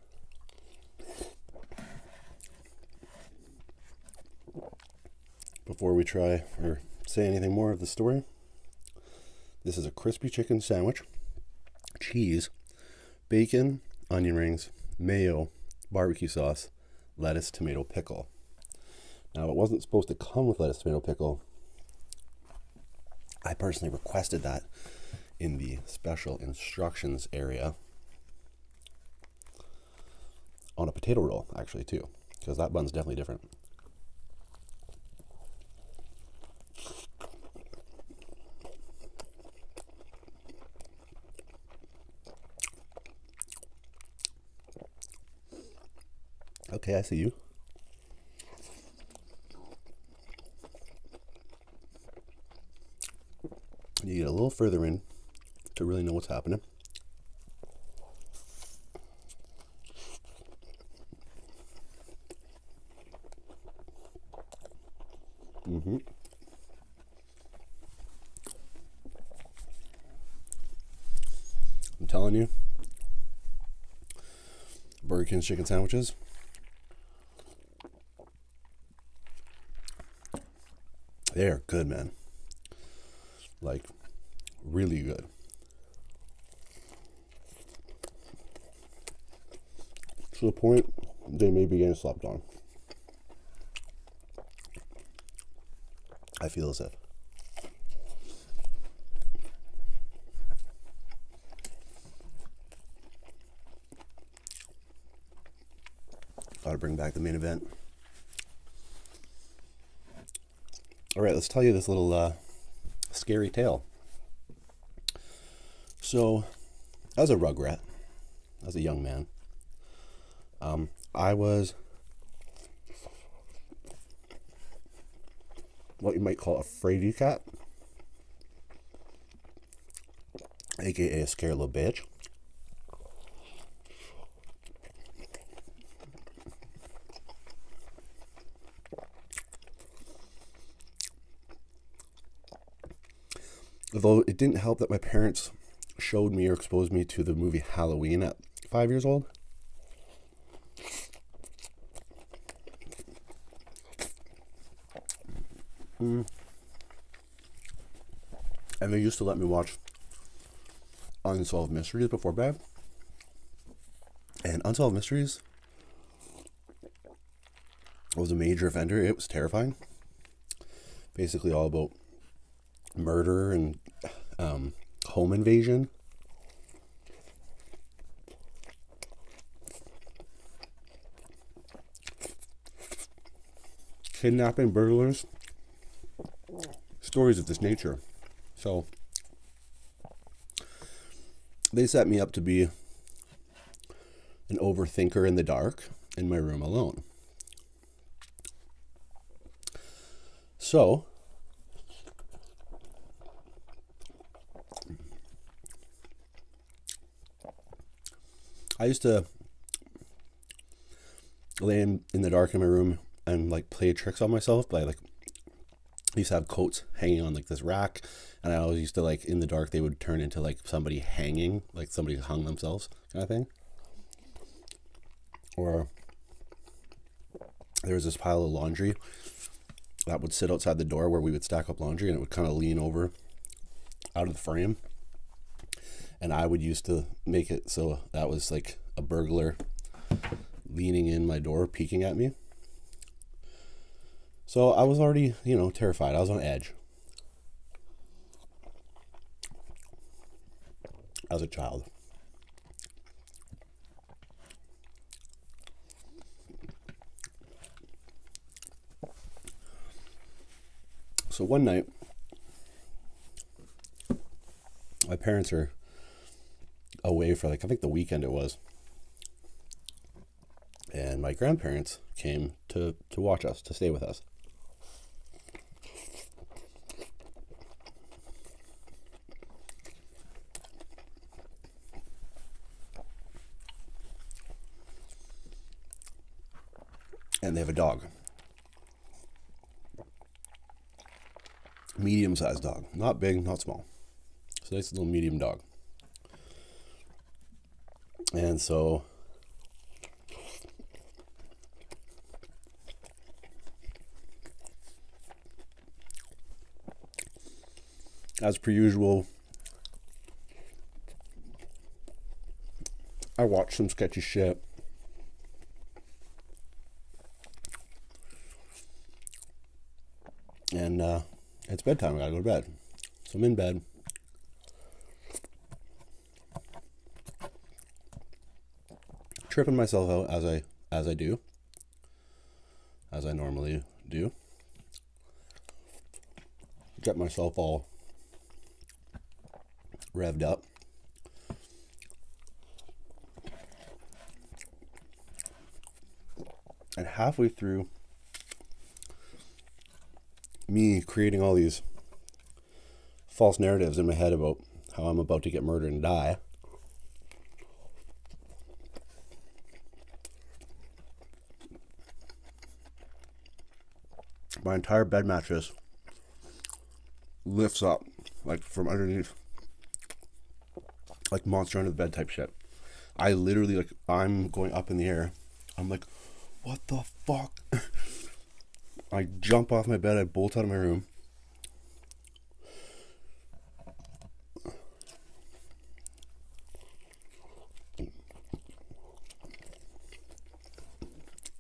Before we try or say anything more of the story, this is a crispy chicken sandwich, cheese, bacon, onion rings, mayo, barbecue sauce, lettuce, tomato, pickle. Now, it wasn't supposed to come with lettuce, tomato, pickle. I personally requested that in the special instructions area on a potato roll, actually, too, because that bun's definitely different. Okay, I see you. You get a little further in to really know what's happening. Mm-hmm. I'm telling you, Burger King's chicken sandwiches. They are good, man. Like, really good. To the point they may be getting slept on. I feel as if. Gotta bring back the main event. All right, let's tell you this little uh, scary tale. So, as a rugrat, as a young man, um, I was what you might call a fraidy cat, aka a scare little bitch. Although it didn't help that my parents showed me or exposed me to the movie Halloween at five years old. Mm. And they used to let me watch Unsolved Mysteries before bed. And Unsolved Mysteries it was a major offender. It was terrifying. Basically, all about murder and um, home invasion. Kidnapping, burglars, stories of this nature. So, they set me up to be an overthinker in the dark in my room alone. So, I used to lay in, in the dark in my room and like play tricks on myself by like used to have coats hanging on like this rack, and I always used to like in the dark they would turn into like somebody hanging, like somebody hung themselves kind of thing. Or there was this pile of laundry that would sit outside the door where we would stack up laundry, and it would kind of lean over out of the frame. And I would used to make it so that was like a burglar leaning in my door, peeking at me. So I was already, you know, terrified. I was on edge. As a child. So one night, my parents are away for like, I think the weekend it was and my grandparents came to, to watch us, to stay with us. And they have a dog. Medium sized dog. Not big, not small. It's a nice little medium dog. And so as per usual, I watched some sketchy shit. And uh, it's bedtime. I gotta go to bed. So I'm in bed. Tripping myself out as I as I do. As I normally do. Get myself all revved up. And halfway through me creating all these false narratives in my head about how I'm about to get murdered and die. My entire bed mattress lifts up like from underneath like monster under the bed type shit. I literally like I'm going up in the air. I'm like, what the fuck? I jump off my bed, I bolt out of my room.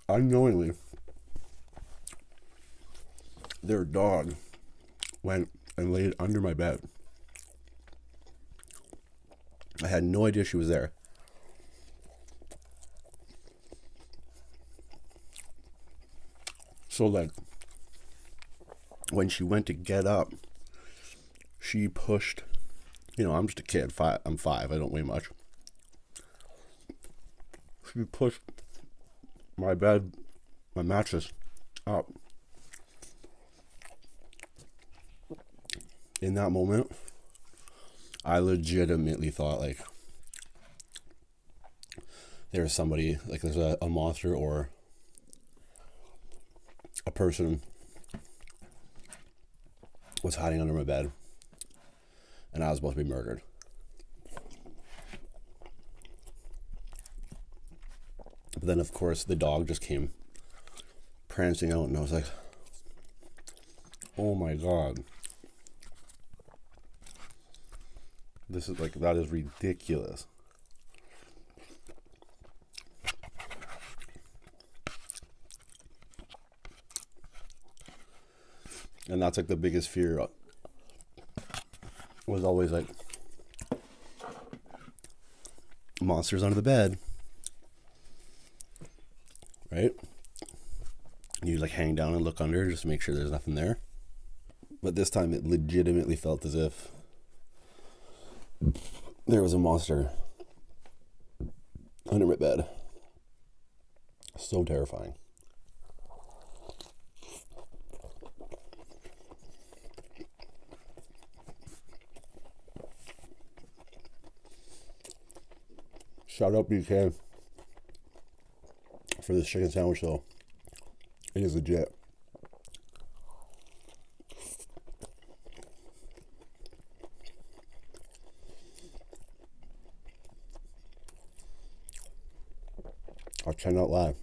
Unknowingly, their dog went and laid under my bed. I had no idea she was there. So like when she went to get up, she pushed you know, I'm just a kid, five I'm five, I don't weigh much. She pushed my bed my mattress up in that moment, I legitimately thought like there's somebody like there's a, a monster or a person was hiding under my bed and I was supposed to be murdered. But then of course the dog just came prancing out, and I was like, oh my god. This is like, that is ridiculous. And that's like the biggest fear was always like monsters under the bed right? You like hang down and look under just to make sure there's nothing there. But this time it legitimately felt as if there was a monster under my bed. So terrifying. Shout out BK for this chicken sandwich though. It is a legit. I cannot lie.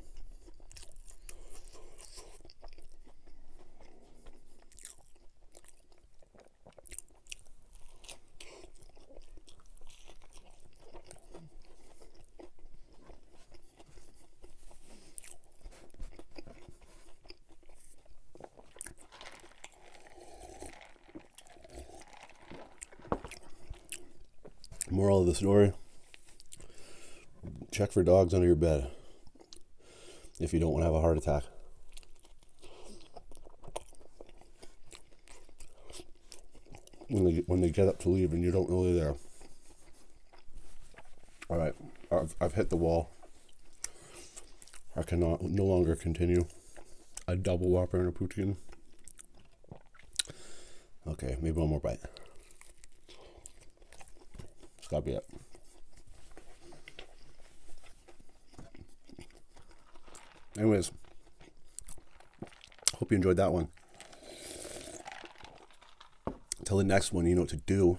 Moral of the story check for dogs under your bed if you don't want to have a heart attack. When they, when they get up to leave and you don't really there. Uh, all right, I've, I've hit the wall. I cannot no longer continue. A double whopper and a poutine. Okay, maybe one more bite. It's gotta be it. Anyways, hope you enjoyed that one. Till the next one, you know what to do.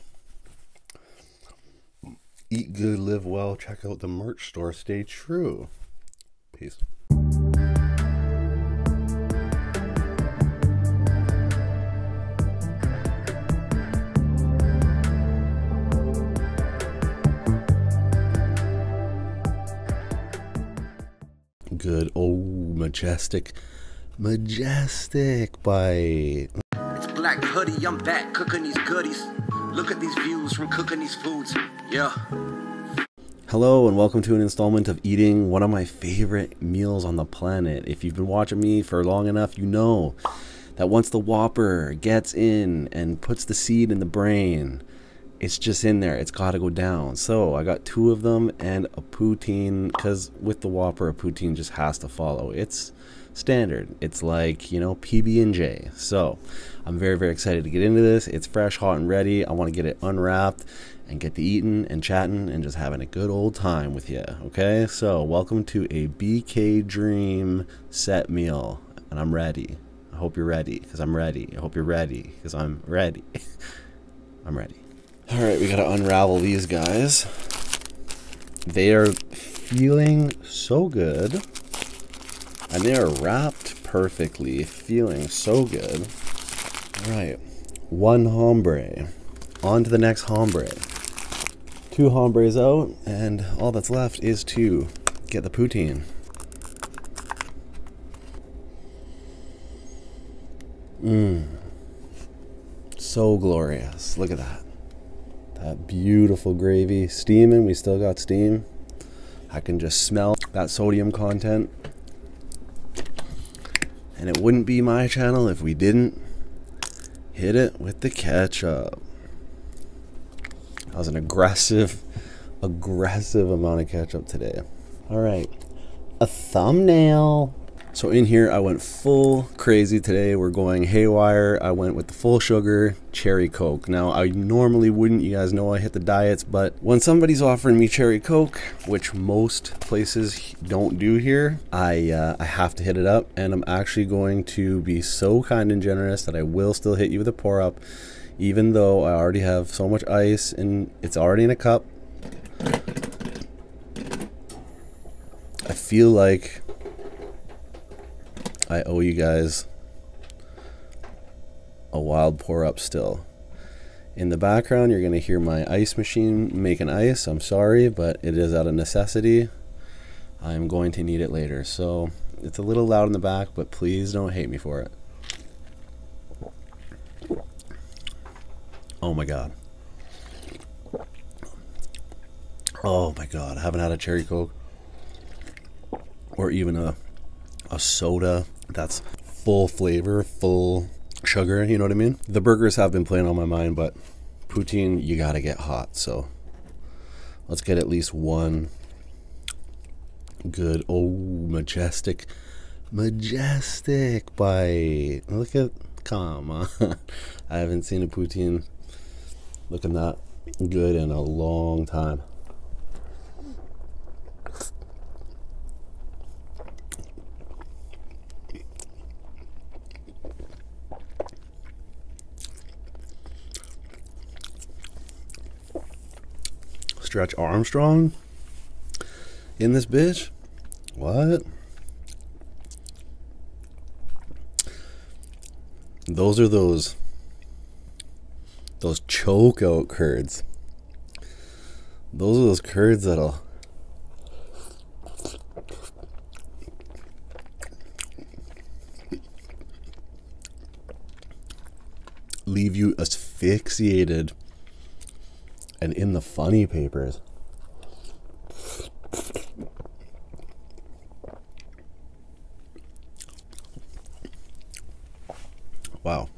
Eat good, live well. Check out the merch store. Stay true. Peace. Good. Oh, majestic. Majestic by. It's Black Hoodie. I'm back cooking these goodies. Look at these views from cooking these foods. Yeah. Hello and welcome to an installment of eating one of my favorite meals on the planet. If you've been watching me for long enough, you know that once the whopper gets in and puts the seed in the brain, it's just in there. It's got to go down. So I got two of them and a poutine because with the whopper, a poutine just has to follow. It's standard. It's like, you know, PB&J. So I'm very, very excited to get into this. It's fresh, hot, and ready. I want to get it unwrapped and get to eating and chatting and just having a good old time with you. Okay, so welcome to a BK Dream set meal, and I'm ready. I hope you're ready, because I'm ready. I hope you're ready, because I'm ready. I'm ready. All right, we gotta unravel these guys. They are feeling so good, and they are wrapped perfectly, feeling so good. All right, one hombre. On to the next hombre two hombres out, and all that's left is to get the poutine. Mmm. So glorious. Look at that. That beautiful gravy. Steaming. We still got steam. I can just smell that sodium content. And it wouldn't be my channel if we didn't hit it with the ketchup. That was an aggressive, aggressive amount of catch up today. All right, a thumbnail. So in here, I went full crazy today. We're going haywire. I went with the full sugar cherry Coke. Now, I normally wouldn't. You guys know I hit the diets, but when somebody's offering me cherry Coke, which most places don't do here, I, uh, I have to hit it up, and I'm actually going to be so kind and generous that I will still hit you with a pour up, even though I already have so much ice and it's already in a cup. I feel like I owe you guys a wild pour up still. In the background, you're going to hear my ice machine making ice. I'm sorry, but it is out of necessity. I'm going to need it later. So it's a little loud in the back, but please don't hate me for it. Oh my god. Oh my god, I haven't had a cherry coke or even a a soda that's full flavor, full sugar, you know what I mean? The burgers have been playing on my mind, but but poutine, you got to get hot. So let's get at least one good, oh, majestic, majestic bite. Look at, come on. I haven't seen a poutine looking that good in a long time. Stretch Armstrong in this bitch? What? Those are those those choke out curds. Those are those curds that'll leave you asphyxiated and in the funny papers. Wow.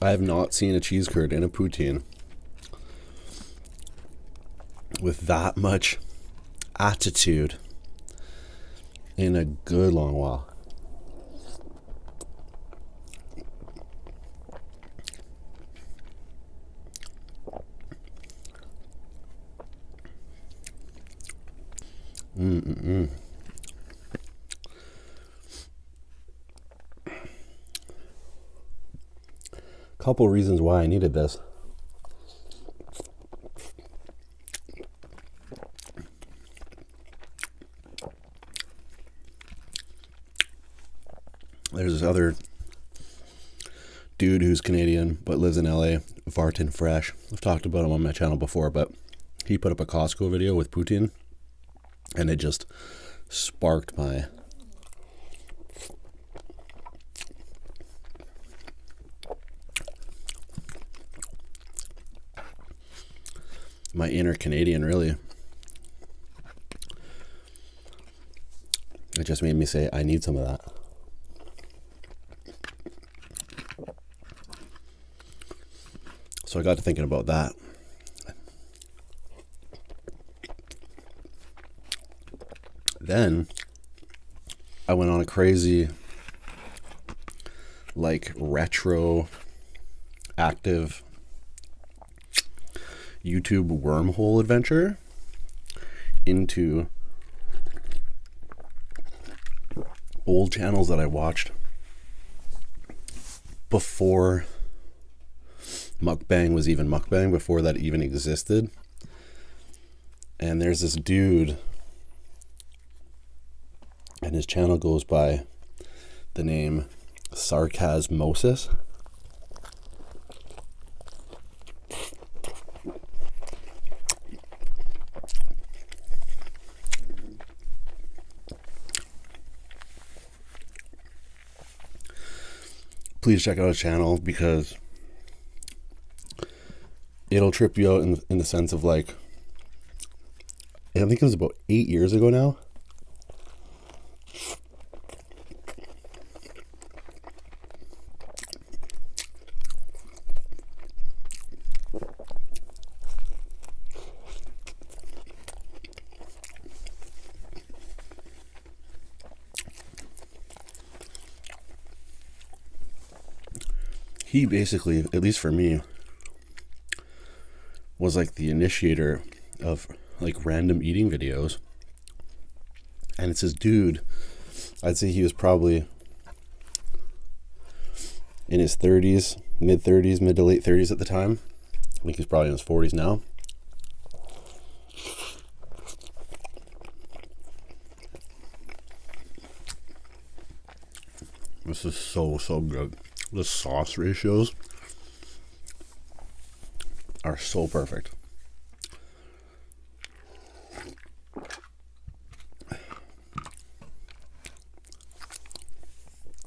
I have not seen a cheese curd in a poutine with that much attitude in a good long while. Mm-mm-mm. Couple reasons why I needed this. There's this other dude who's Canadian but lives in LA, Vartan Fresh. I've talked about him on my channel before, but he put up a Costco video with Putin and it just sparked my my inner Canadian, really. It just made me say, I need some of that. So I got to thinking about that. Then I went on a crazy, like, retro active YouTube wormhole adventure into old channels that I watched before mukbang was even mukbang, before that even existed and there's this dude, and his channel goes by the name Sarcasmosis. Please check out his channel because it'll trip you out in, in the sense of like, I think it was about eight years ago now he basically, at least for me, was like the initiator of like random eating videos. And it's this dude, I'd say he was probably in his 30s, mid 30s, mid to late 30s at the time. I think he's probably in his 40s now. This is so, so good. The sauce ratios are so perfect.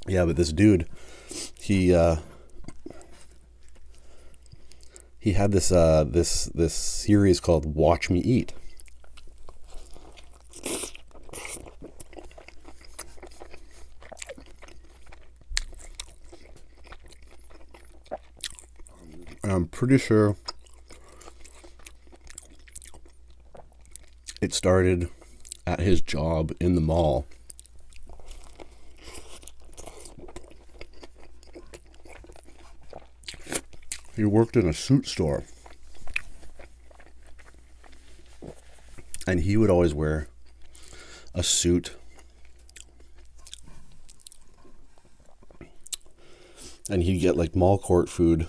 Yeah, but this dude, he uh, he had this uh, this this series called Watch Me Eat, I'm pretty sure it started at his job in the mall. He worked in a suit store. And he would always wear a suit. And he'd get like mall court food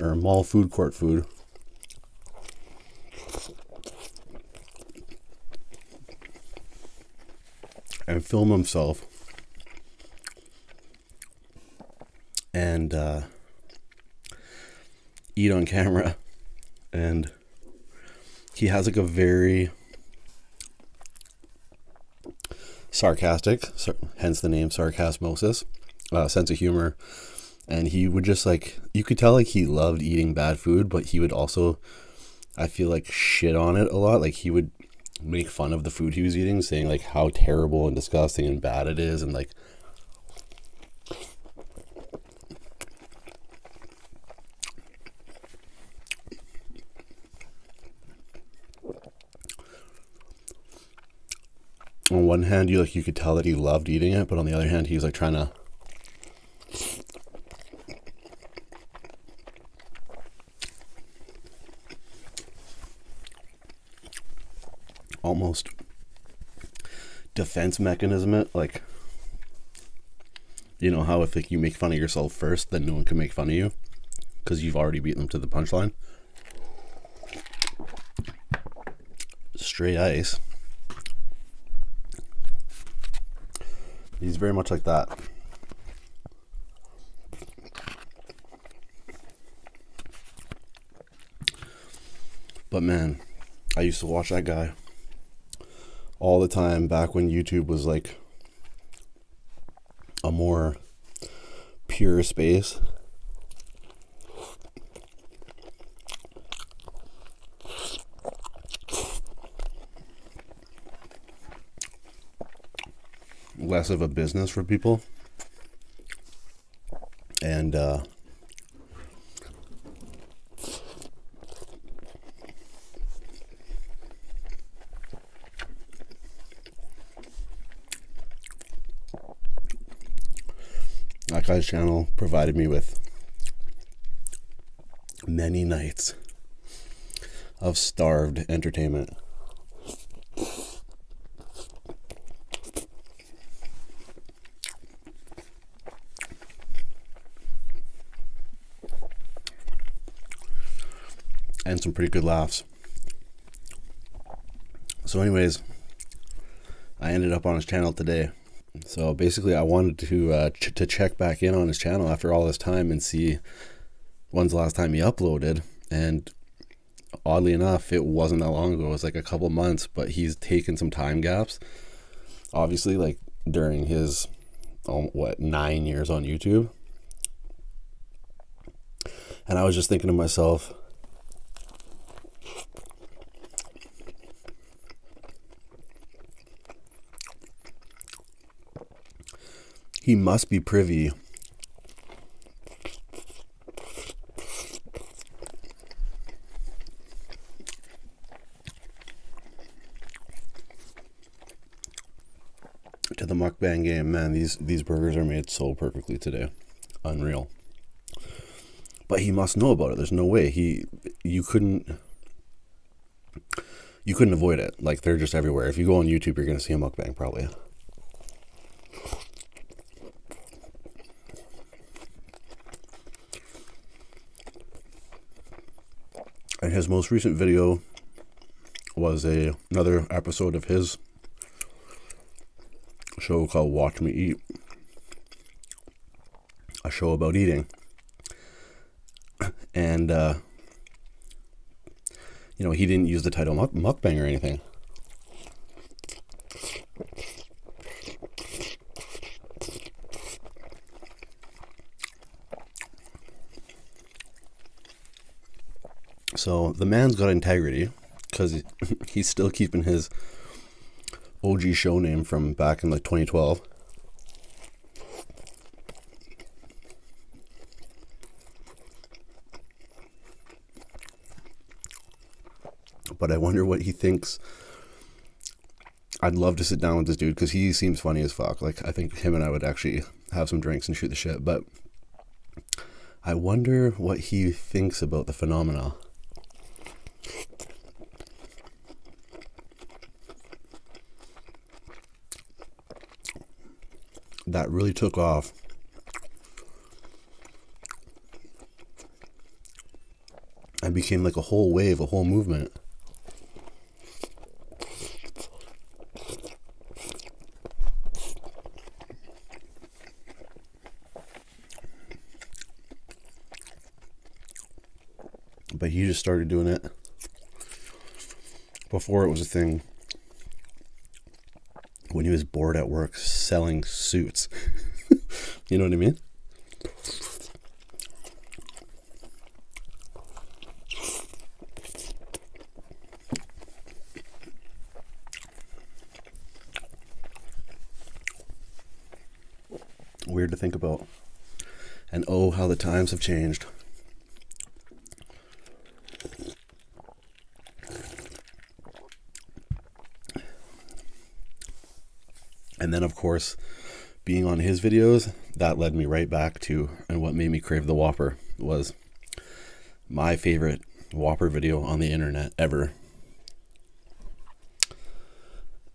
or mall food court food. And film himself and uh, eat on camera. And he has like a very sarcastic, hence the name sarcasmosis, uh, sense of humor. And he would just like, you could tell like he loved eating bad food, but he would also, I feel like, shit on it a lot. Like he would make fun of the food he was eating, saying like how terrible and disgusting and bad it is, and like on one hand you like you could tell that he loved eating it, but on the other hand he was like trying to almost defense mechanism it like you know how if you make fun of yourself first then no one can make fun of you because you've already beat them to the punchline straight eyes. he's very much like that but man, I used to watch that guy all the time back when YouTube was like a more pure space less of a business for people. And uh, Akai's channel provided me with many nights of starved entertainment and some pretty good laughs. So, anyways, I ended up on his channel today. So basically, I wanted to uh, to check back in on his channel after all this time and see when's the last time he uploaded. And oddly enough, it wasn't that long ago. It was like a couple months, but he's taken some time gaps. Obviously, like during his um, what nine years on YouTube. And I was just thinking to myself, he must be privy to the mukbang game, man, these these burgers are made so perfectly today. Unreal. But he must know about it. There's no way. He you couldn't you couldn't avoid it. Like they're just everywhere. If you go on YouTube, you're gonna see a mukbang probably. And his most recent video was a another episode of his show called Watch Me Eat. A show about eating. And uh, you know, he didn't use the title muk- mukbang or anything. So the man's got integrity because he's still keeping his OG show name from back in like 2012. But I wonder what he thinks. I'd love to sit down with this dude because he seems funny as fuck. Like, I think him and I would actually have some drinks and shoot the shit. But I wonder what he thinks about the phenomena. That really took off I became like a whole wave, a whole movement. But he just started doing it before it was a thing when he was bored at work selling suits. you know what I mean? Weird to think about. And oh, how the times have changed. And then, of course, being on his videos, that led me right back to, and what made me crave the Whopper was my favorite Whopper video on the internet ever.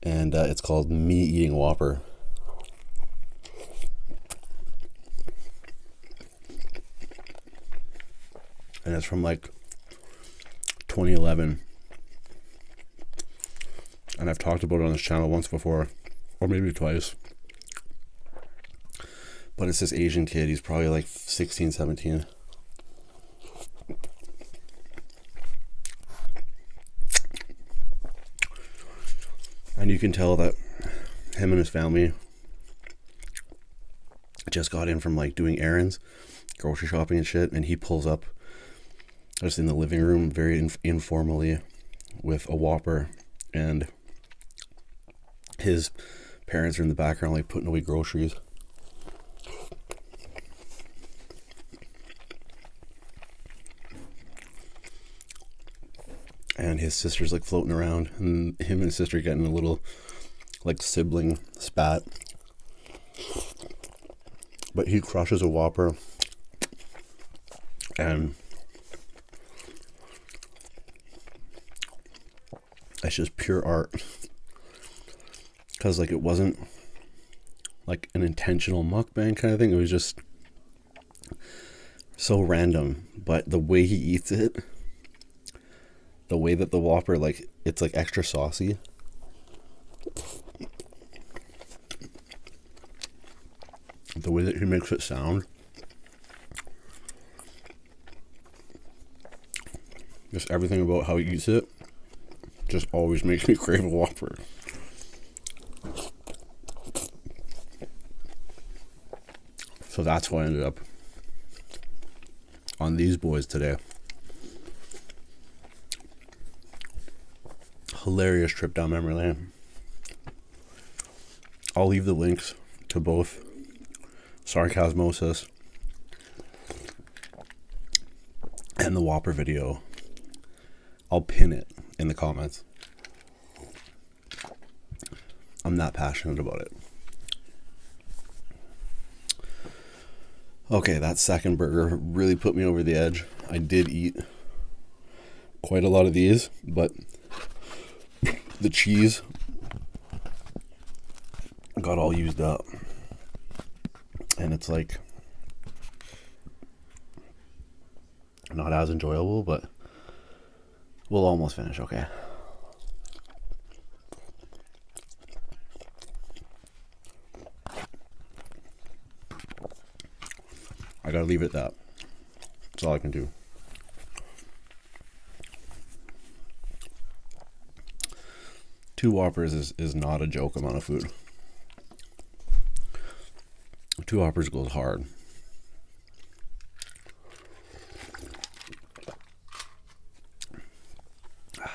And uh, it's called Me Eating Whopper and it's from like 2011 and I've talked about it on this channel once before or maybe twice but it's this Asian kid he's probably like 16 17 and you can tell that him and his family I just got in from like doing errands, grocery shopping and shit, and he pulls up just in the living room very informally with a Whopper and his parents are in the background like putting away groceries. And his sister's like floating around, and him and his sister getting a little like sibling spat. But he crushes a Whopper and that's just pure art. Cause like it wasn't like an intentional mukbang kind of thing. It was just so random. But the way he eats it the way that the Whopper like it's like extra saucy. The way that he makes it sound. Just everything about how he eats it just always makes me crave a Whopper. So that's what I ended up on these boys today. Hilarious trip down memory lane. I'll leave the links to both Sarcasmosis and the Whopper video. I'll pin it in the comments. I'm not passionate about it. Okay, that second burger really put me over the edge. I did eat quite a lot of these, but the cheese got all used up. And it's like not as enjoyable, but we'll almost finish, okay? I gotta leave it at that. That's all I can do. Two Whoppers is, is not a joke amount of food. Two Whoppers goes hard.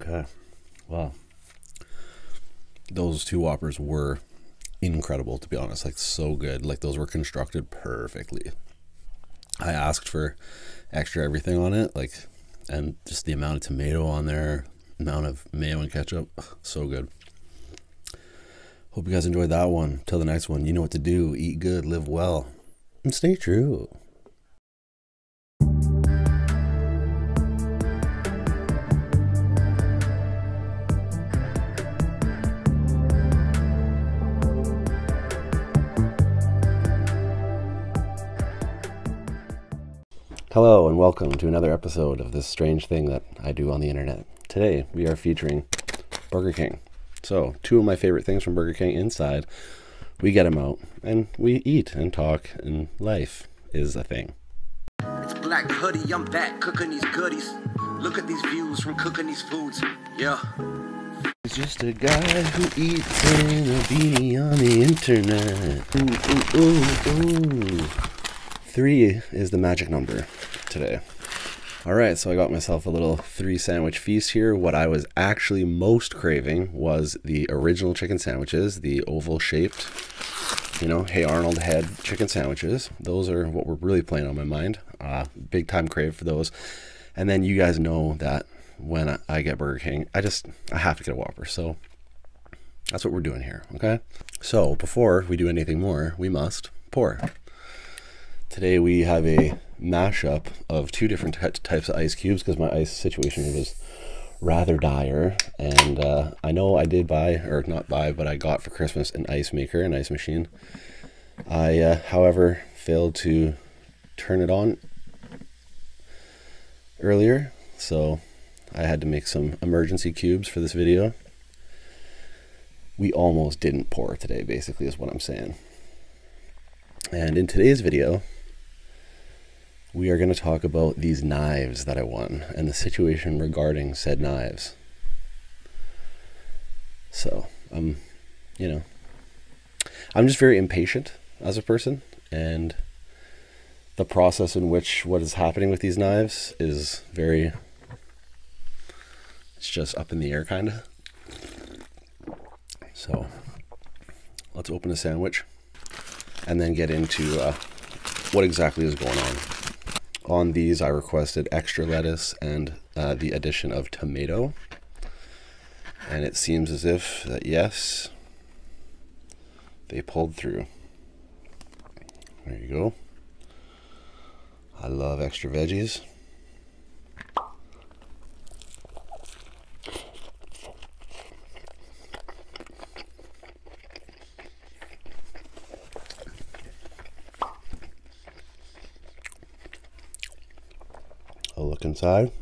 Okay. well, Those two Whoppers were incredible, to be honest. Like, so good. Like, those were constructed perfectly. I asked for extra everything on it. Like, and just the amount of tomato on there, amount of mayo and ketchup. So good. Hope you guys enjoyed that one. Till the next one, you know what to do. Eat good, live well, and stay true. Hello, and welcome to another episode of this strange thing that I do on the internet. Today, we are featuring Burger King. So, two of my favorite things from Burger King inside we get them out and we eat and talk, and life is a thing. It's Black Hoodie, I'm back cooking these goodies. Look at these views from cooking these foods. Yeah. It's just a guy who eats in a beanie on the internet. Ooh, ooh, ooh, ooh. Three is the magic number today. All right, so I got myself a little three sandwich feast here. What I was actually most craving was the original chicken sandwiches, the oval shaped, you know, Hey Arnold head chicken sandwiches. Those are what were really playing on my mind. Uh, big time crave for those. And then you guys know that when I get Burger King, I just, I have to get a Whopper. So that's what we're doing here. Okay. So before we do anything more, we must pour. Today we have a mashup of two different types of ice cubes because my ice situation was rather dire. And uh, I know I did buy, or not buy, but I got for Christmas an ice maker, an ice machine. I, uh, however, failed to turn it on earlier, so I had to make some emergency cubes for this video. We almost didn't pour today, basically, is what I'm saying. And in today's video, we are going to talk about these knives that I won and the situation regarding said knives. So, I'm, um, you know, I'm just very impatient as a person, and the process in which what is happening with these knives is very, it's just up in the air, kind of. So let's open the sandwich and then get into uh, what exactly is going on. On these, I requested extra lettuce and uh, the addition of tomato. And it seems as if that, yes, they pulled through. There you go. I love extra veggies. I'll look inside.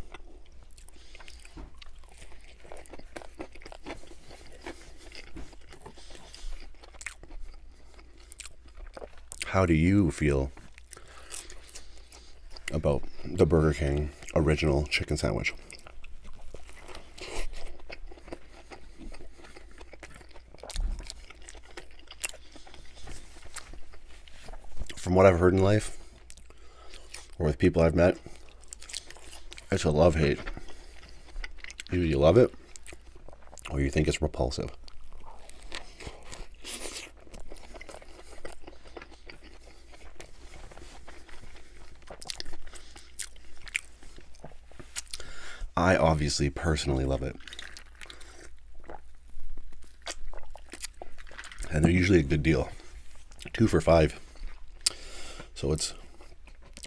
How do you feel about the Burger King original chicken sandwich. From what I've heard in life, or with people I've met, it's a love hate. Either you love it, or you think it's repulsive. I obviously personally love it. And they're usually a good deal. Two for five. So it's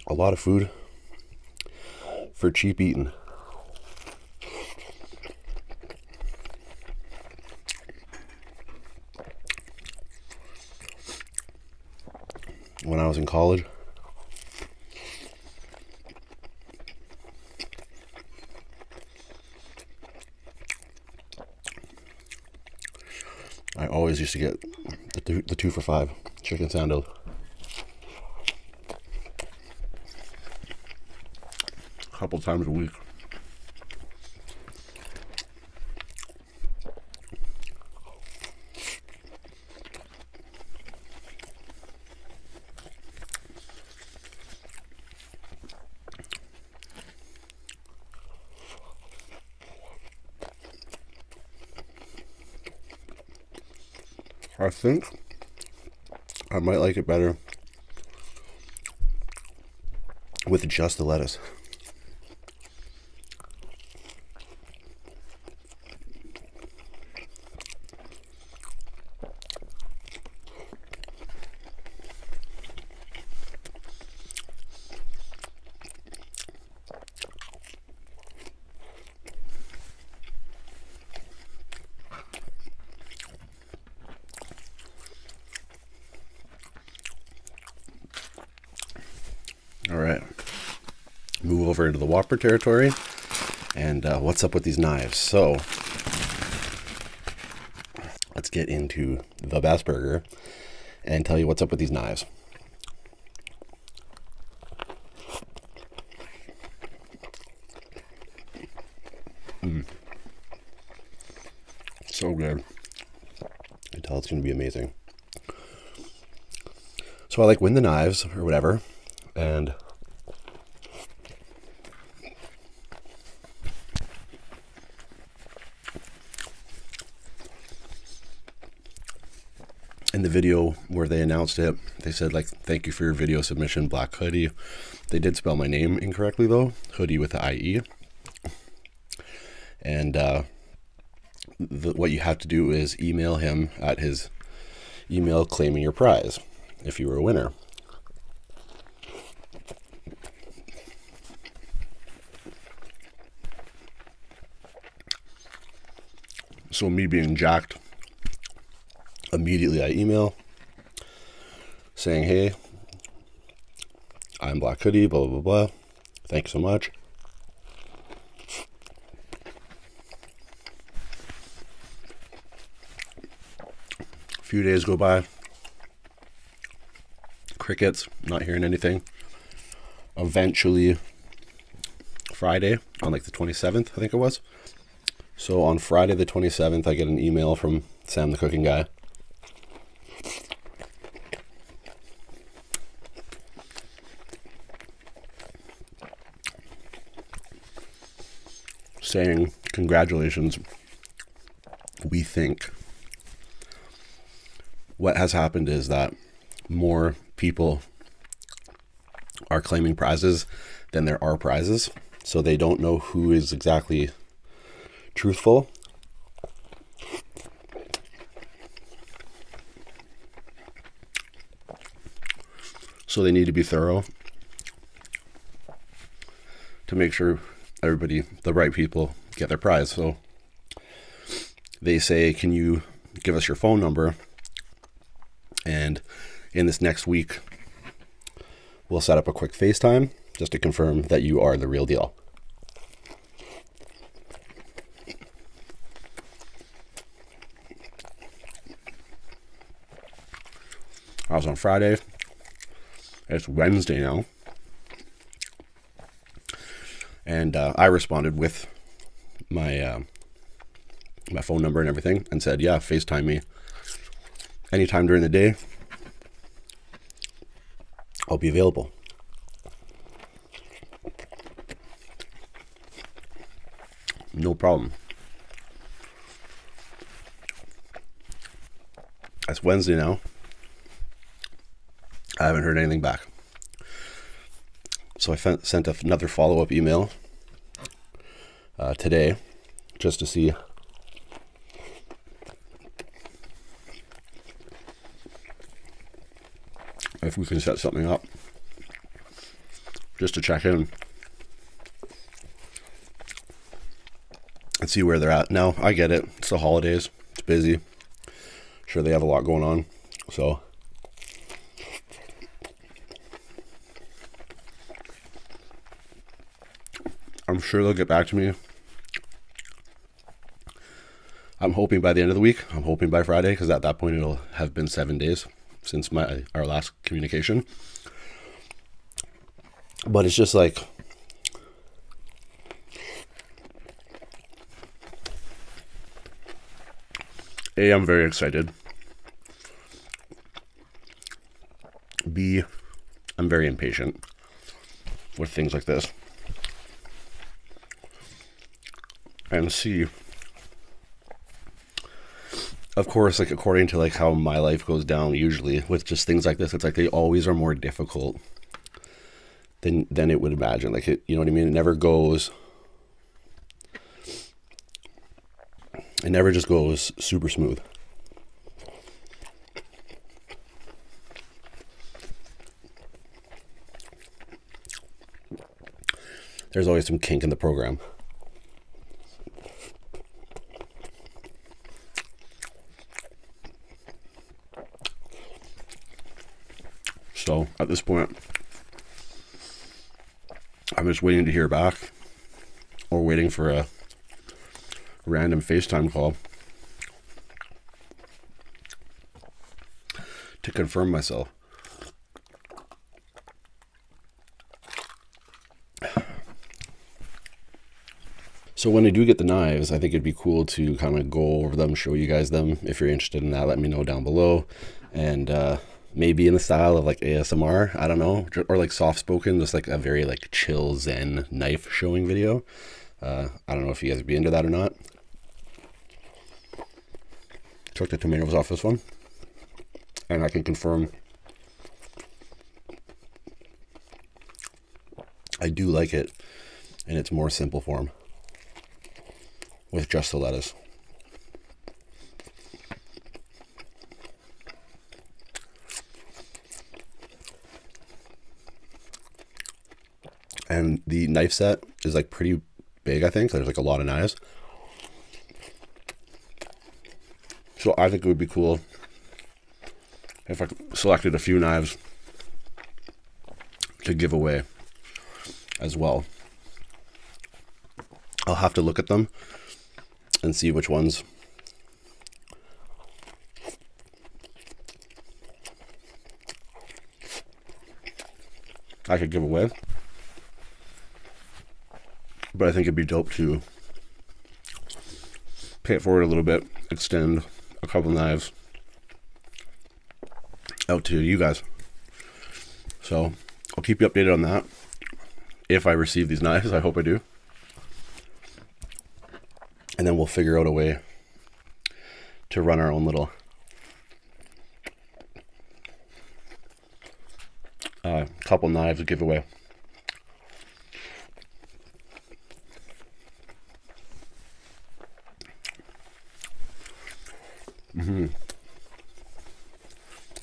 a lot of food for cheap eating when I was in college. I always used to get the two, for five chicken sandals. A couple times a week. I think I might like it better with just the lettuce. All right, move over into the Whopper territory. And uh, what's up with these knives? So let's get into the Bassburger and tell you what's up with these knives. Mm. So good. I tell it's going to be amazing. So I like win the knives or whatever, and in the video where they announced it, they said like, "Thank you for your video submission, Black Hoodie." They did spell my name incorrectly though, Hoodie with the IE. And uh, what you have to do is email him at his email claiming your prize if you were a winner. So me being jacked, immediately I email saying, "Hey, I'm Black Hoodie, blah, blah, blah. Thanks so much. A few days go by. Crickets, not hearing anything. Eventually, Friday, on like the 27th, I think it was. So on Friday the 27th, I get an email from Sam the Cooking Guy saying, Congratulations, we think. What has happened is that more people are claiming prizes than there are prizes. So they don't know who is exactly truthful. So they need to be thorough to make sure everybody, the right people, get their prize. So they say, Can you give us your phone number? And in this next week, we'll set up a quick FaceTime just to confirm that you are the real deal. I was on Friday. It's Wednesday now. And uh, I responded with my uh, my phone number and everything and said, yeah, FaceTime me anytime during the day. I'll be available. No problem. It's Wednesday now. I haven't heard anything back. So I sent another follow up email uh, today just to see if we can set something up just to check in and see where they're at. Now, I get it. It's the holidays. It's busy. sure they have a lot going on. So I'm sure they'll get back to me I'm hoping by the end of the week. I'm hoping by Friday because at that point it'll have been seven days since my our last communication. But it's just like A, I'm very excited. B, I'm very impatient with things like this and see of course like according to like how my life goes down usually with just things like this it's like they always are more difficult than than it would imagine like it you know what i mean it never goes it never just goes super smooth there's always some kink in the program. So at this point, I'm just waiting to hear back or waiting for a random FaceTime call to confirm myself. So when I do get the knives, I think it'd be cool to kind of go over them, show you guys them. If you're interested in that, let me know down below. And uh, maybe in the style of like ASMR, I don't know, or like soft spoken, just like a very like chill zen knife showing video. Uh, I don't know if you guys be into that or not. Took the tomatoes off this one. And I can confirm I do like it in its more simple form with just the lettuce. And the knife set is like pretty big, I think. There's like a lot of knives. So I think it would be cool if I selected a few knives to give away as well. I'll have to look at them and see which ones I could give away. But I think it'd be dope to pay it forward a little bit, extend a couple knives out to you guys. So I'll keep you updated on that if I receive these knives. I hope I do. And then we'll figure out a way to run our own little uh, couple knives giveaway. Mm -hmm.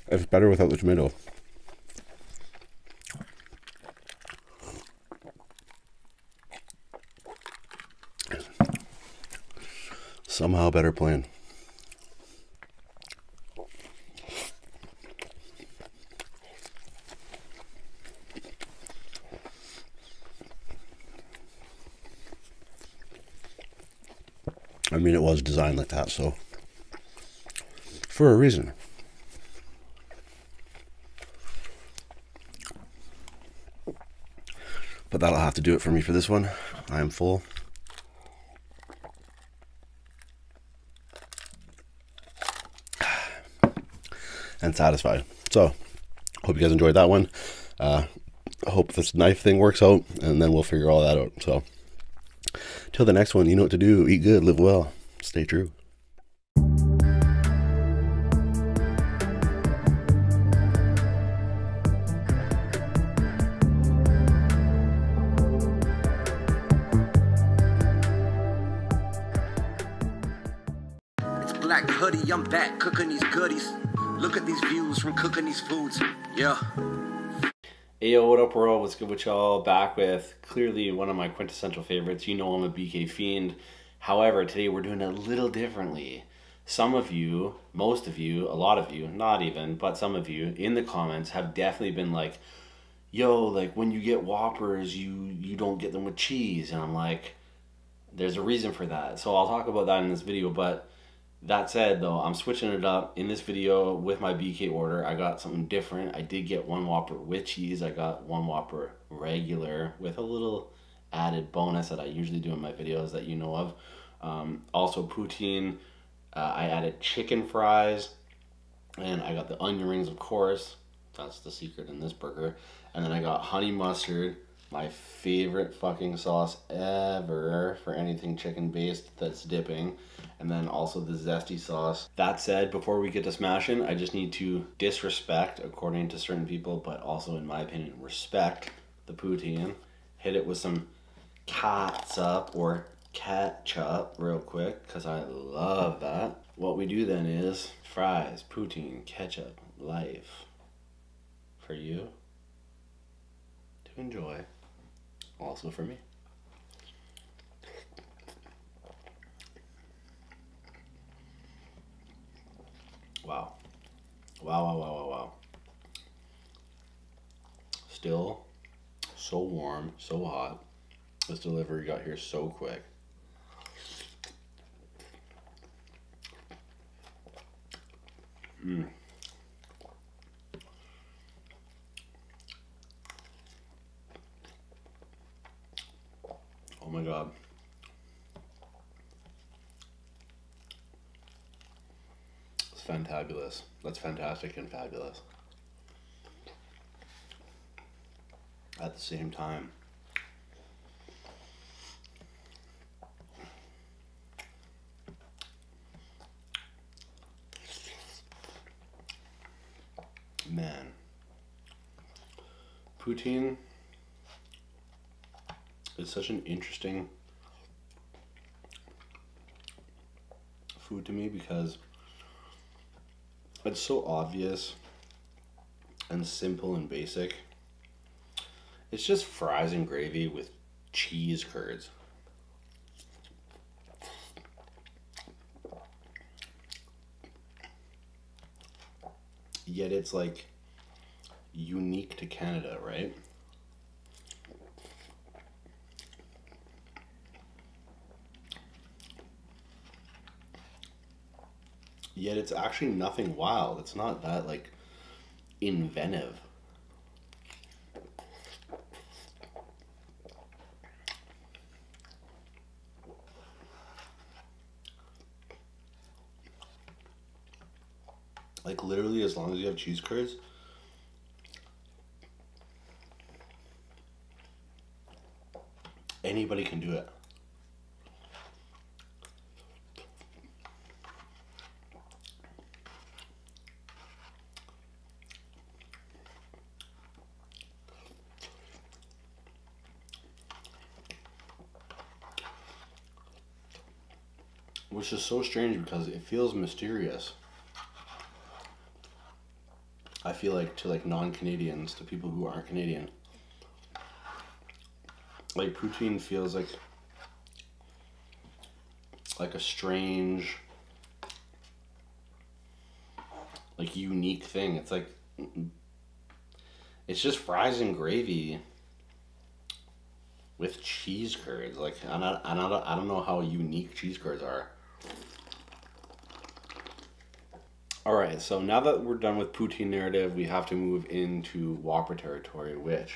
It's better without the tomato. Somehow better plan. I mean, it was designed like that, so for a reason. But that'll have to do it for me for this one. I am full. And satisfied. So, hope you guys enjoyed that one. Uh, hope this knife thing works out, and then we'll figure all that out. So, till the next one, you know what to do. Eat good, live well, stay true. It's black hoodie, I'm back cooking these goodies. Look at these views from cooking these foods. Yeah. Hey, yo, what up, world? What's good with y'all? Back with clearly one of my quintessential favorites. You know I'm a BK fiend. However, today we're doing a little differently some of you, most of you, a lot of you, not even, but some of you in the comments have definitely been like, yo, like when you get Whoppers, you, you don't get them with cheese. And I'm like, there's a reason for that. So I'll talk about that in this video, but that said though, I'm switching it up in this video with my BK order. I got something different. I did get one Whopper with cheese. I got one Whopper regular with a little added bonus that I usually do in my videos that you know of. Um, also poutine, uh, I added chicken fries, and I got the onion rings, of course. That's the secret in this burger. And then I got honey mustard, my favorite fucking sauce ever for anything chicken based that's dipping and then also the zesty sauce that said before we get to smashing i just need to disrespect according to certain people but also in my opinion respect the poutine, hit it with some catsup or ketchup real quick because I love that. What we do then is fries, poutine, ketchup, life for you to enjoy, also for me. Wow. Wow, wow, wow, wow, wow. Still so warm, so hot. This delivery got here so quick. Mm. Oh my god. It's fantabulous. That's fantastic and fabulous. At the same time, man, poutine it's such an interesting food to me because it's so obvious and simple and basic. It's just fries and gravy with cheese curds. Yet it's like unique to Canada, right? Yet it's actually nothing wild. It's not that like inventive. Like literally, as long as you have cheese curds. Anybody can do it. Which is so strange because it feels mysterious. I feel like to like non-Canadians, to people who aren't Canadian. Like poutine feels like like a strange like unique thing. It's like it's just fries and gravy with cheese curds. Like I don't, I don't, I don't know how unique cheese curds are. All right, so now that we're done with poutine narrative, we have to move into Whopper territory, which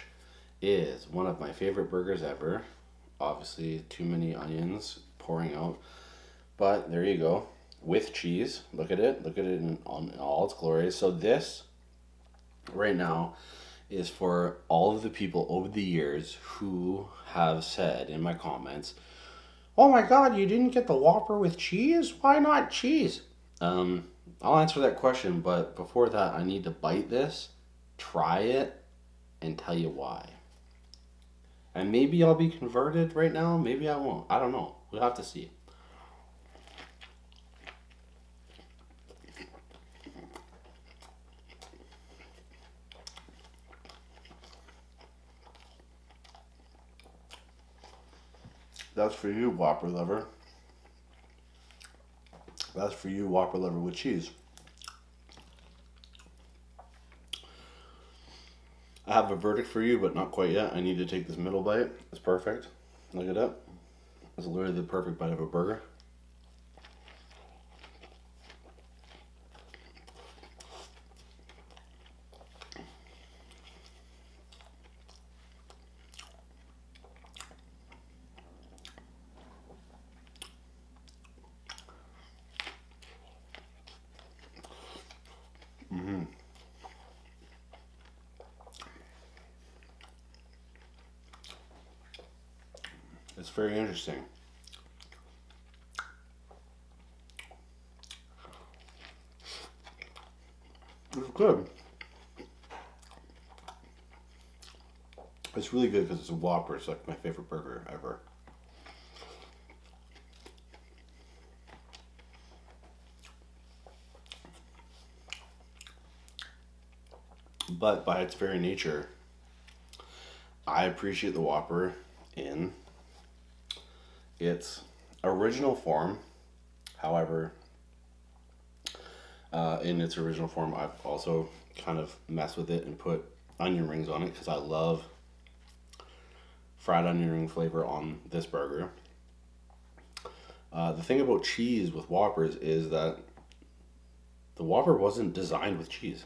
is one of my favorite burgers ever. Obviously, too many onions pouring out, but there you go. With cheese, look at it, look at it in, on all its glory. So this right now is for all of the people over the years who have said in my comments, "Oh my God, you didn't get the Whopper with cheese? Why not cheese?" Um, I'll answer that question, but before that, I need to bite this, try it, and tell you why. And maybe I'll be converted right now. Maybe I won't. I don't know. We'll have to see. That's for you, Whopper lover. That's for you, Whopper lover with cheese. I have a verdict for you, but not quite yet. I need to take this middle bite. It's perfect. Look it up. It's literally the perfect bite of a burger. Mm-hmm. It's very interesting. It's good. It's really good because it's a Whopper. It's like my favorite burger ever. But by its very nature, I appreciate the Whopper in its original form. However, uh, in its original form, I've also kind of messed with it and put onion rings on it because I love fried onion ring flavor on this burger. Uh, the thing about cheese with Whoppers is that the Whopper wasn't designed with cheese.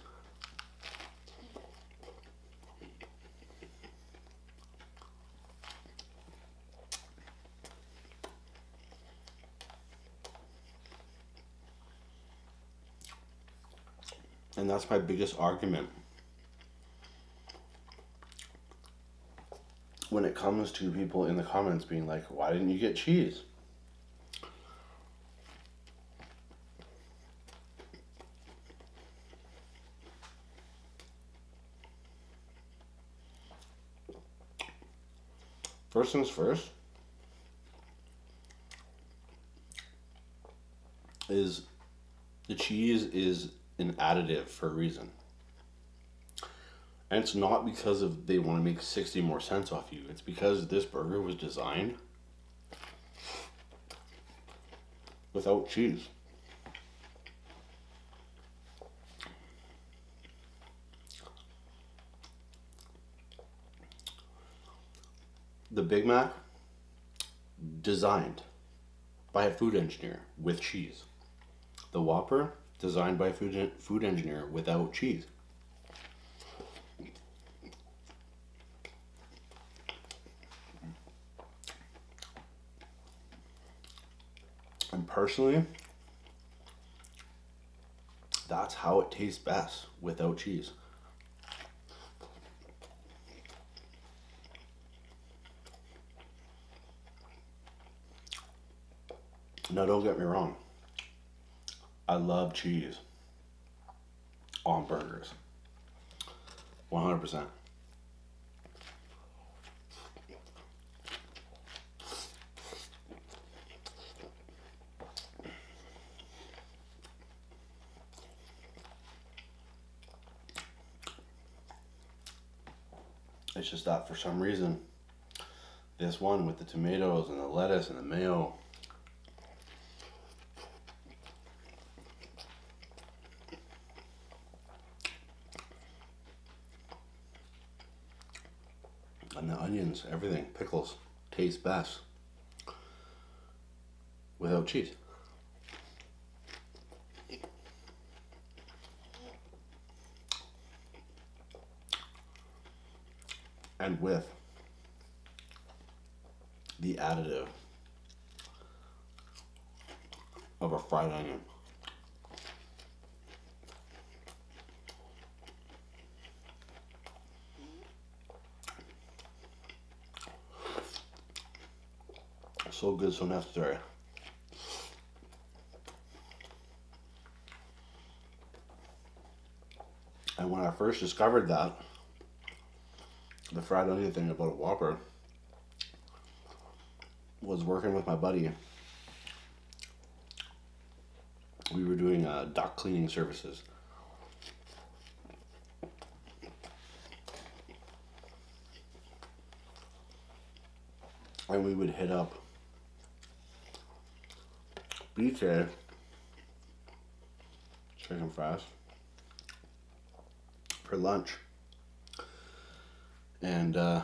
And that's my biggest argument when it comes to people in the comments being like, why didn't you get cheese? First things first is the cheese is an additive for a reason. And it's not because of they want to make 60 more cents off you. It's because this burger was designed without cheese. The Big Mac designed by a food engineer with cheese. The Whopper designed by a food, food engineer without cheese. And personally, that's how it tastes best without cheese. Now, don't get me wrong. I love cheese on burgers. 100%. It's just that for some reason, this one with the tomatoes and the lettuce and the mayo. And the onions, everything, pickles, taste best without cheese and with the additive of a fried onion. So good, so necessary. And when I first discovered that, the fried onion thing about a Whopper was working with my buddy. We were doing uh, dock cleaning services. And we would hit up BK chicken fries for lunch. And uh,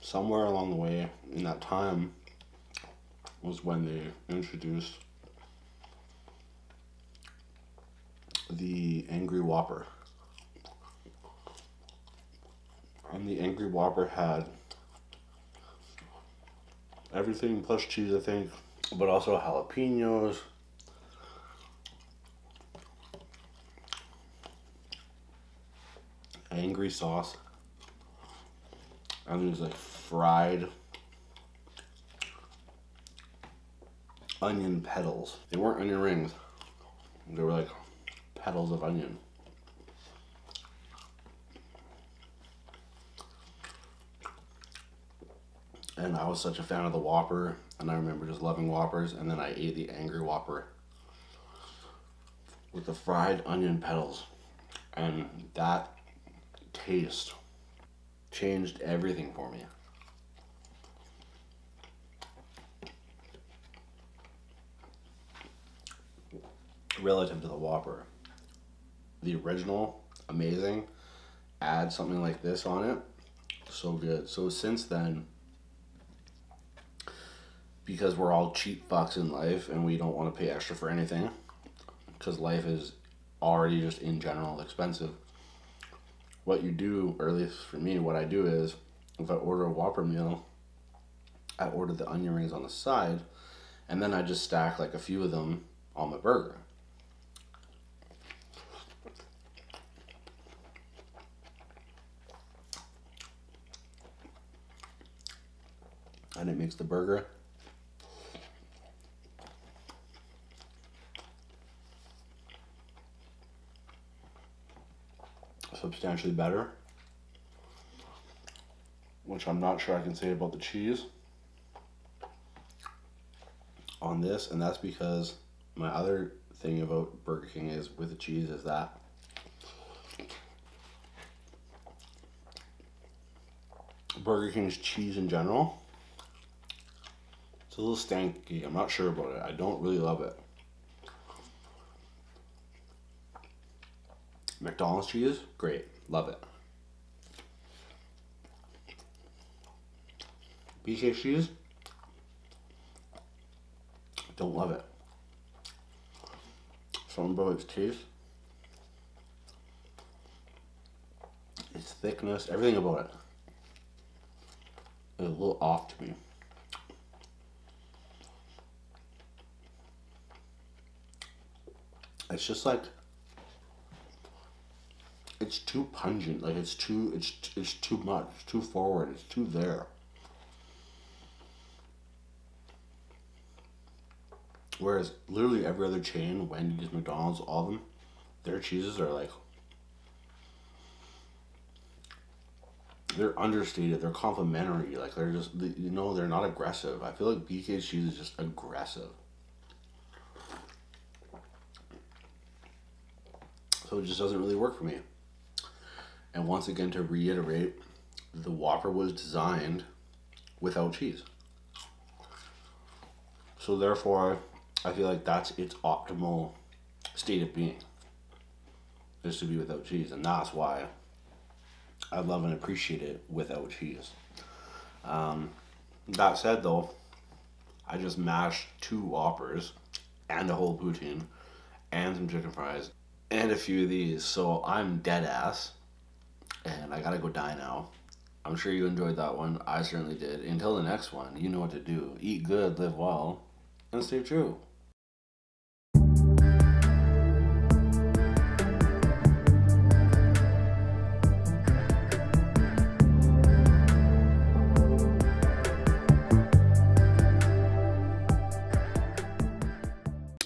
somewhere along the way in that time was when they introduced the Angry Whopper and the Angry Whopper had everything plus cheese, I think, but also jalapenos. Angry sauce. And there's like fried onion petals. They weren't onion rings. They were like petals of onion. And I was such a fan of the Whopper, and I remember just loving Whoppers, and then I ate the Angry Whopper with the fried onion petals. And that taste changed everything for me relative to the Whopper. The original, amazing. Add something like this on it, so good. So since then, because we're all cheap fucks in life and we don't want to pay extra for anything, because life is already just in general expensive. What you do, at least for me, what I do is if I order a Whopper meal, I ordered the onion rings on the side, and then I just stack like a few of them on the burger. And it makes the burger substantially better which I'm not sure I can say about the cheese on this, and that's because my other thing about Burger King is with the cheese is that Burger King's cheese in general, it's a little stanky. I'm not sure about it. I don't really love it. McDonald's cheese, great. Love it. BK cheese, don't love it. Something about its taste, its thickness, everything about it is a little off to me. It's just like it's too pungent. Like it's too it's it's too much. It's too forward. It's too there. Whereas literally every other chain, Wendy's, McDonald's, all of them, their cheeses are like they're understated. They're complimentary. Like they're just you know they're not aggressive. I feel like BK cheese is just aggressive. So it just doesn't really work for me. And once again, to reiterate, the Whopper was designed without cheese. So therefore, I feel like that's its optimal state of being. This should be without cheese, and that's why I love and appreciate it without cheese. Um, that said, though, I just mashed two Whoppers and a whole poutine and some chicken fries and a few of these, so I'm dead ass, and I gotta go die now. I'm sure you enjoyed that one. I certainly did. Until the next one, you know what to do. Eat good, live well, and stay true.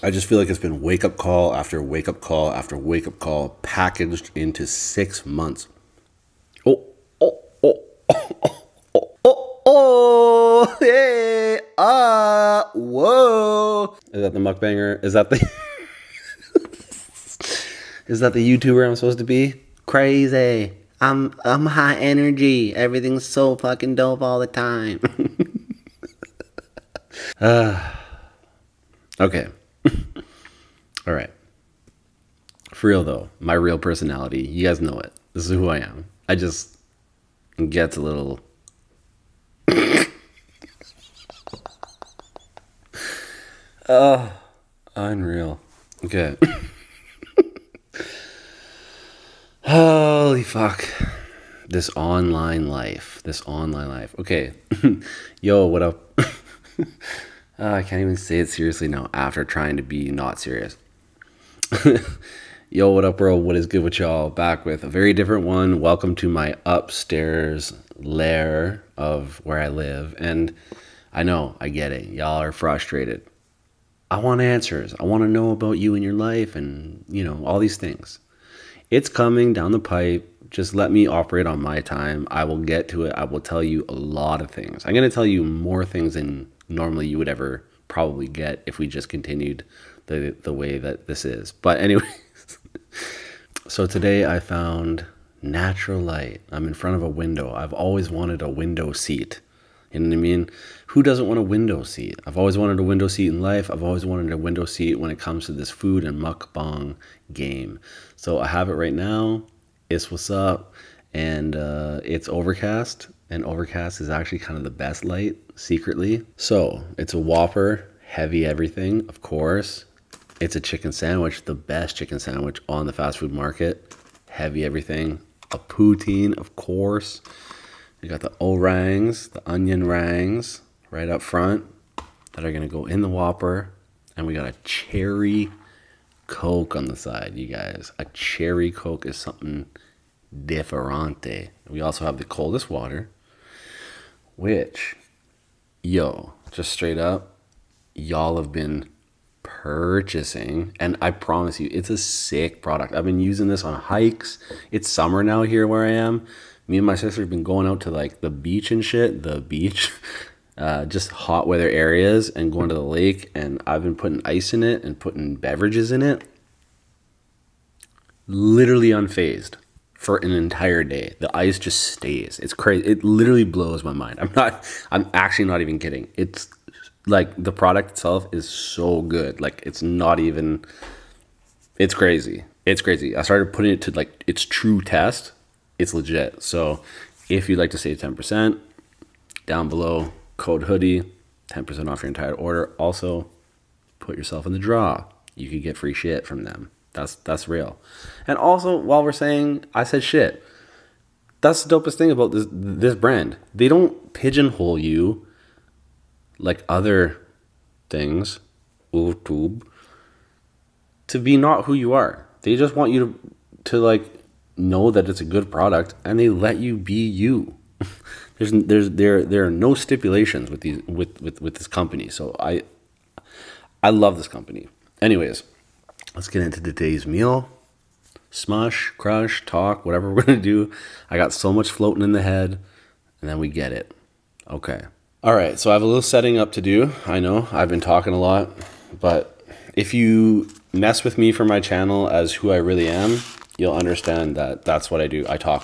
I just feel like it's been wake up call after wake up call after wake up call packaged into six months. Oh, oh, oh, oh, oh, oh, oh, hey, ah, whoa. Is that the muckbanger? Is that the Is that the YouTuber I'm supposed to be? Crazy. I'm I'm high energy. Everything's so fucking dope all the time. Ah. okay. all right. For real though, my real personality. You guys know it. This is who I am. I just and gets a little. oh, unreal. Okay. Holy fuck. This online life. This online life. Okay. Yo, what up? Ah, I can't even say it seriously now after trying to be not serious. Yo, what up, world? What is good with y'all? Back with a very different one. Welcome to my upstairs lair of where I live. And I know, I get it. Y'all are frustrated. I want answers. I want to know about you and your life and, you know, all these things. It's coming down the pipe. Just let me operate on my time. I will get to it. I will tell you a lot of things. I'm going to tell you more things than normally you would ever probably get if we just continued the the way that this is. But anyway, so today I found natural light. I'm in front of a window. I've always wanted a window seat. You I mean? Who doesn't want a window seat? I've always wanted a window seat in life. I've always wanted a window seat when it comes to this food and mukbang game. So I have it right now. It's what's up. And uh, it's overcast. And overcast is actually kind of the best light, secretly. So it's a Whopper, heavy everything, of course. It's a chicken sandwich, the best chicken sandwich on the fast food market. Heavy everything. A poutine, of course. We got the O-rangs, the onion rangs right up front that are going to go in the Whopper. And we got a cherry Coke on the side, you guys. A cherry Coke is something differente. We also have the coldest water, which, yo, just straight up, y'all have been purchasing. And I promise you, it's a sick product. I've been using this on hikes. It's summer now here where I am. Me and my sister have been going out to like the beach and shit, the beach, uh, just hot weather areas and going to the lake. And I've been putting ice in it and putting beverages in it literally unfazed for an entire day. The ice just stays. It's crazy. It literally blows my mind. I'm not I'm actually not even kidding. It's like the product itself is so good. Like it's not even it's crazy. It's crazy. I started putting it to like its true test. It's legit. So if you'd like to save 10%, down below code hoodie, 10% off your entire order. Also, put yourself in the draw. You can get free shit from them. That's that's real. And also, while we're saying I said shit, that's the dopest thing about this this brand. They don't pigeonhole you like other things, YouTube, to be not who you are. They just want you to to like know that it's a good product and they let you be you. there's there's there there are no stipulations with these with with with this company. So I I love this company. Anyways, let's get into today's meal. Smash, crush, talk, whatever we're gonna do. I got so much floating in the head, and then we get it. Okay. All right, so I have a little setting up to do. I know I've been talking a lot, but if you mess with me for my channel as who I really am, you'll understand that that's what I do. I talk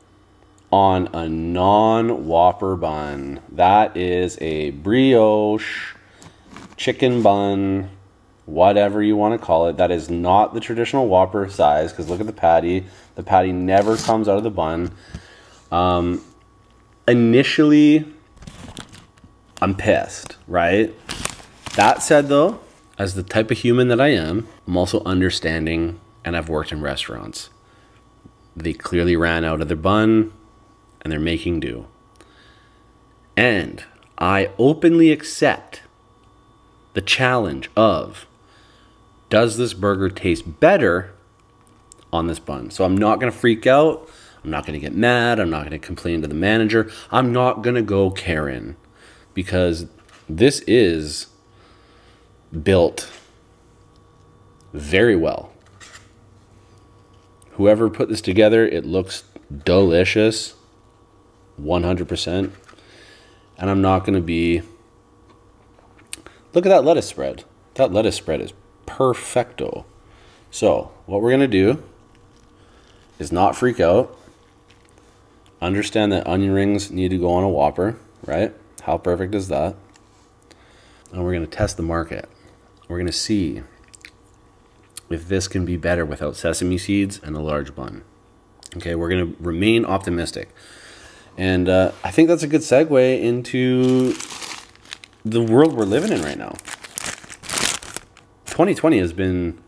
on a non Whopper bun. That is a brioche chicken bun, whatever you want to call it. That is not the traditional Whopper size because look at the patty. The patty never comes out of the bun. Um, initially, I'm pissed, right? That said, though, as the type of human that I am, I'm also understanding and I've worked in restaurants. They clearly ran out of their bun and they're making do. And I openly accept the challenge of does this burger taste better on this bun? So I'm not going to freak out. I'm not going to get mad. I'm not going to complain to the manager. I'm not going to go Karen because this is built very well. Whoever put this together, it looks delicious, 100%. And I'm not going to be. Look at that lettuce spread. That lettuce spread is perfecto. So, what we're going to do is not freak out. Understand that onion rings need to go on a whopper, right? How perfect is that? And we're going to test the market. We're going to see if this can be better without sesame seeds and a large bun. Okay, we're going to remain optimistic. And uh, I think that's a good segue into the world we're living in right now. 2020 has been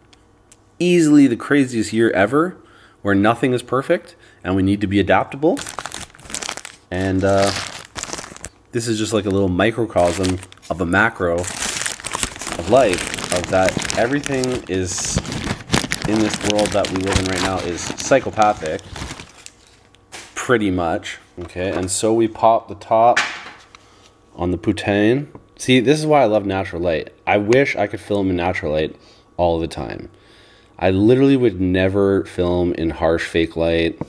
easily the craziest year ever where nothing is perfect and we need to be adaptable. And uh, this is just like a little microcosm of a macro of life, of that everything is in this world that we live in right now is psychopathic, pretty much. Okay, and so we pop the top on the Putain. See, this is why I love natural light. I wish I could film in natural light all the time. I literally would never film in harsh fake light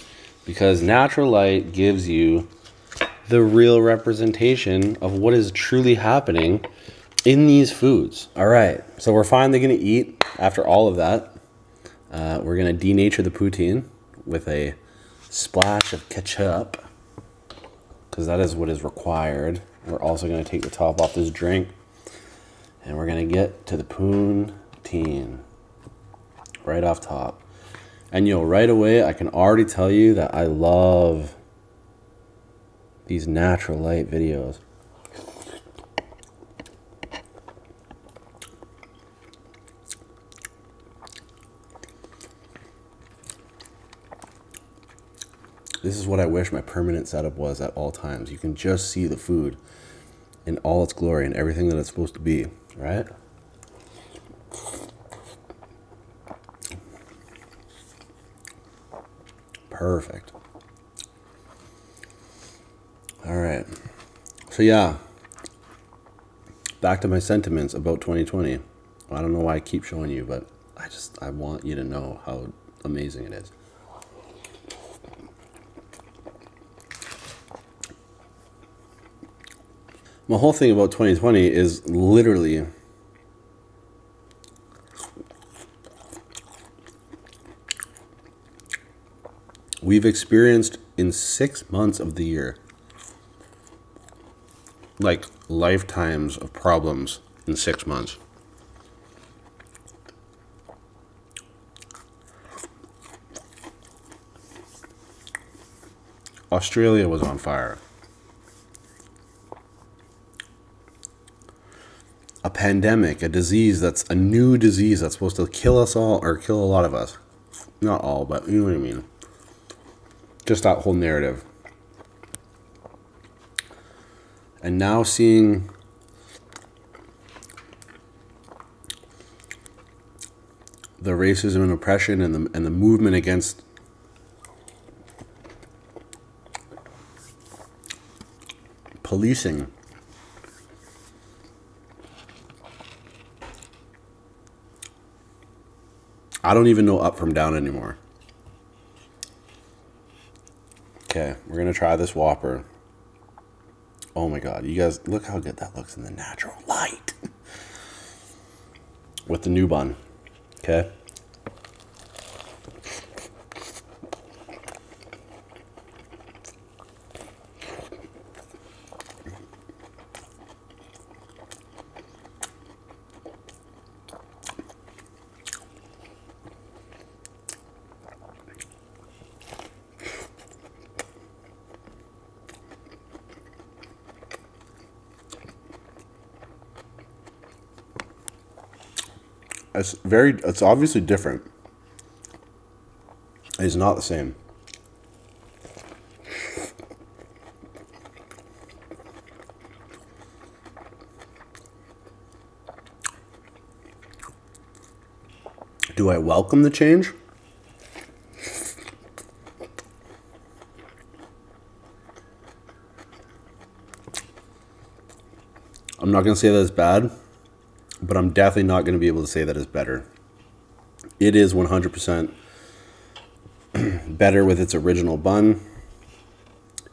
because natural light gives you the real representation of what is truly happening in these foods. All right, so we're finally gonna eat after all of that. Uh, we're gonna denature the poutine with a splash of ketchup because that is what is required. We're also gonna take the top off this drink. And we're going to get to the poonteen right off top. And you'll right away, I can already tell you that I love these natural light videos. This is what I wish my permanent setup was at all times. You can just see the food in all its glory and everything that it's supposed to be, right? Perfect. All right. So, yeah, back to my sentiments about 2020. I don't know why I keep showing you, but I just, I want you to know how amazing it is. My whole thing about 2020 is literally we've experienced in six months of the year like lifetimes of problems in six months. Australia was on fire. A pandemic, a disease that's a new disease that's supposed to kill us all or kill a lot of us. Not all, but you know what I mean. Just that whole narrative. And now seeing the racism and oppression and the, and the movement against policing. I don't even know up from down anymore. Okay, we're going to try this Whopper. Oh my god, you guys, look how good that looks in the natural light. With the new bun, okay? It's very, it's obviously different. It's not the same. Do I welcome the change? I'm not going to say that it's bad, but I'm definitely not going to be able to say that it's better. It is 100% better with its original bun,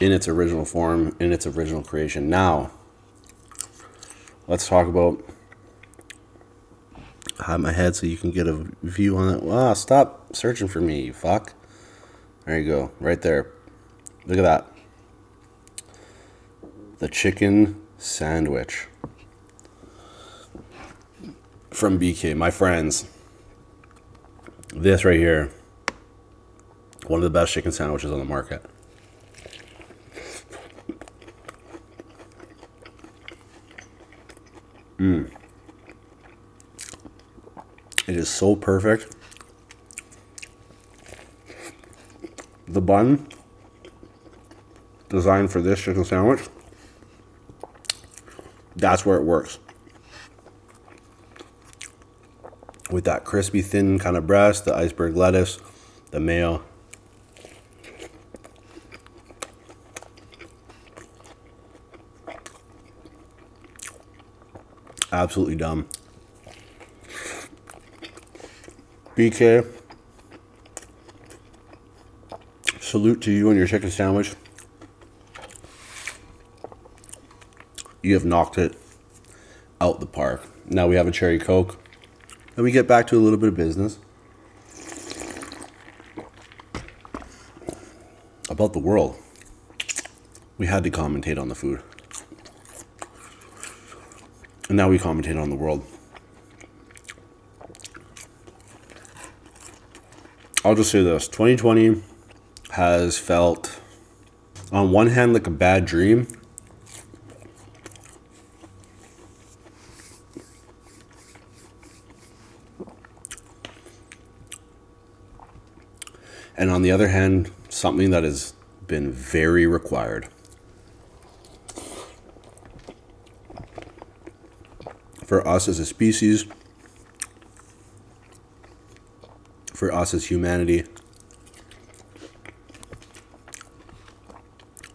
in its original form, in its original creation. Now, let's talk about hide my head so you can get a view on it. Ah, stop searching for me, you fuck. There you go, right there. Look at that. The chicken sandwich from BK, my friends. This right here, one of the best chicken sandwiches on the market. Mmm. It is so perfect. The bun designed for this chicken sandwich, that's where it works. With that crispy, thin kind of breast, the iceberg lettuce, the mayo, Absolutely dumb. BK, salute to you and your chicken sandwich. You have knocked it out the park. Now we have a cherry coke. And we get back to a little bit of business about the world, we had to commentate on the food. And now we commentate on the world. I'll just say this 2020 has felt, on one hand, like a bad dream. And on the other hand, something that has been very required for us as a species, for us as humanity,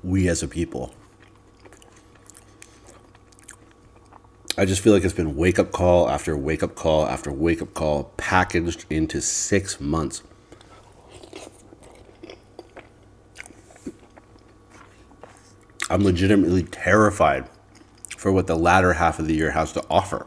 we as a people. I just feel like it's been wake up call after wake up call after wake up call packaged into six months. I'm legitimately terrified for what the latter half of the year has to offer.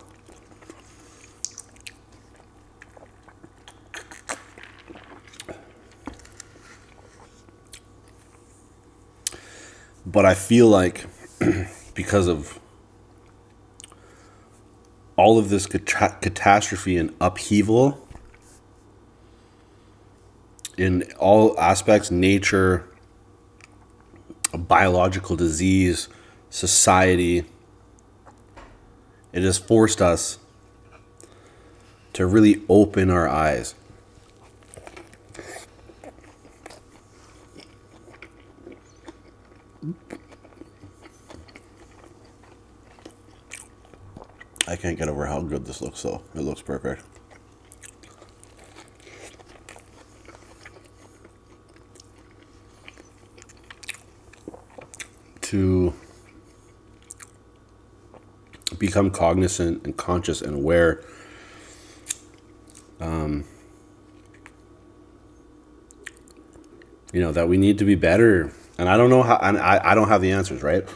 But I feel like because of all of this catastrophe and upheaval in all aspects nature, biological disease, society it has forced us to really open our eyes. I can't get over how good this looks though. It looks perfect. To become cognizant and conscious and aware. Um, you know that we need to be better, and I don't know how, and I, I don't have the answers, right?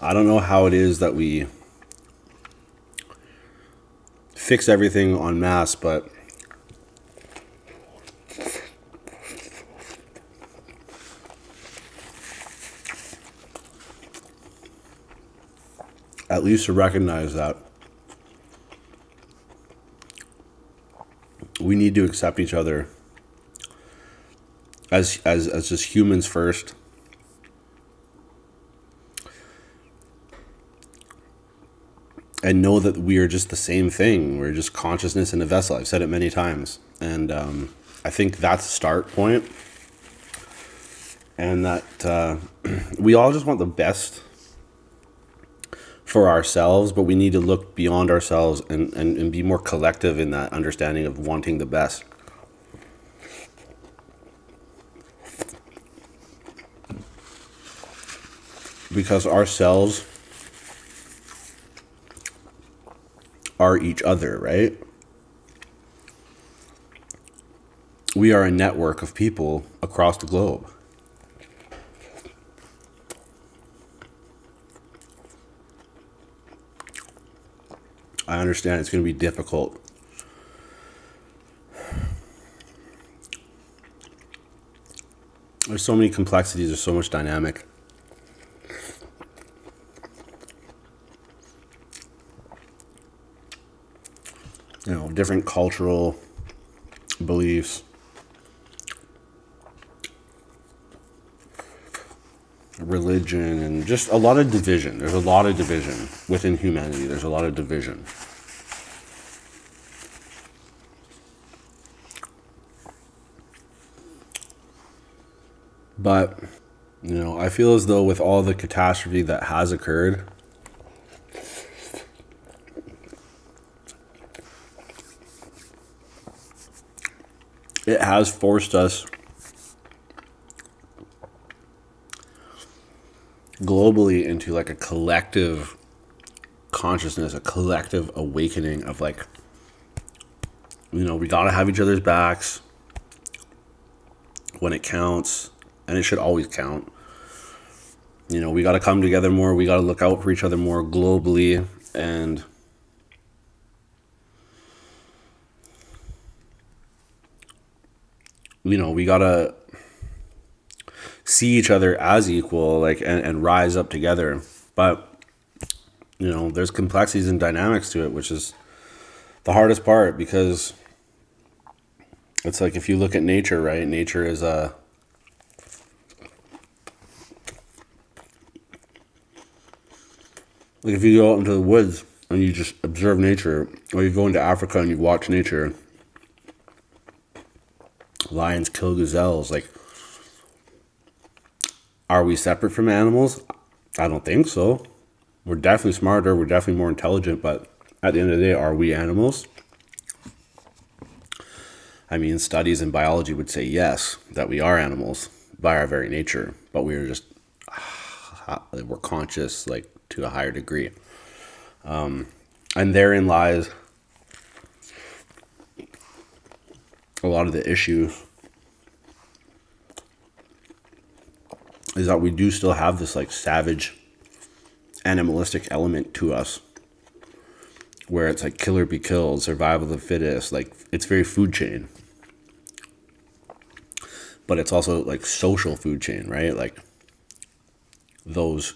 I don't know how it is that we fix everything on mass, but at least to recognize that we need to accept each other as as as just humans first I know that we are just the same thing. We're just consciousness in a vessel. I've said it many times. And um, I think that's a start point. And that uh, we all just want the best for ourselves, but we need to look beyond ourselves and, and be more collective in that understanding of wanting the best. Because our cells are each other, right? We are a network of people across the globe. I understand it's going to be difficult there's so many complexities, there's so much dynamic. You know, different cultural beliefs. religion and just a lot of division. There's a lot of division within humanity. There's a lot of division. But, you know, I feel as though with all the catastrophe that has occurred, it has forced us globally into like a collective consciousness, a collective awakening of like, you know, we gotta have each other's backs when it counts, and it should always count. You know, we gotta come together more, we gotta look out for each other more globally, and you know, we gotta see each other as equal, like, and, and rise up together. But, you know, there's complexities and dynamics to it, which is the hardest part because it's like if you look at nature, right? Nature is a. Uh, like if you go out into the woods, place and you just observe nature, or you go into Africa and you watch nature. Lions kill gazelles. Like, are we separate from animals? I don't think so. We're definitely smarter. We're definitely more intelligent. But at the end of the day, are we animals? I mean, studies in biology would say yes, that we are animals by our very nature, but we are just, we're conscious, like to a higher degree. Um, and therein lies a lot of the issue is that we do still have this like savage animalistic element to us where it's like killer be killed survival of the fittest like it's very food chain but it's also like social food chain right like those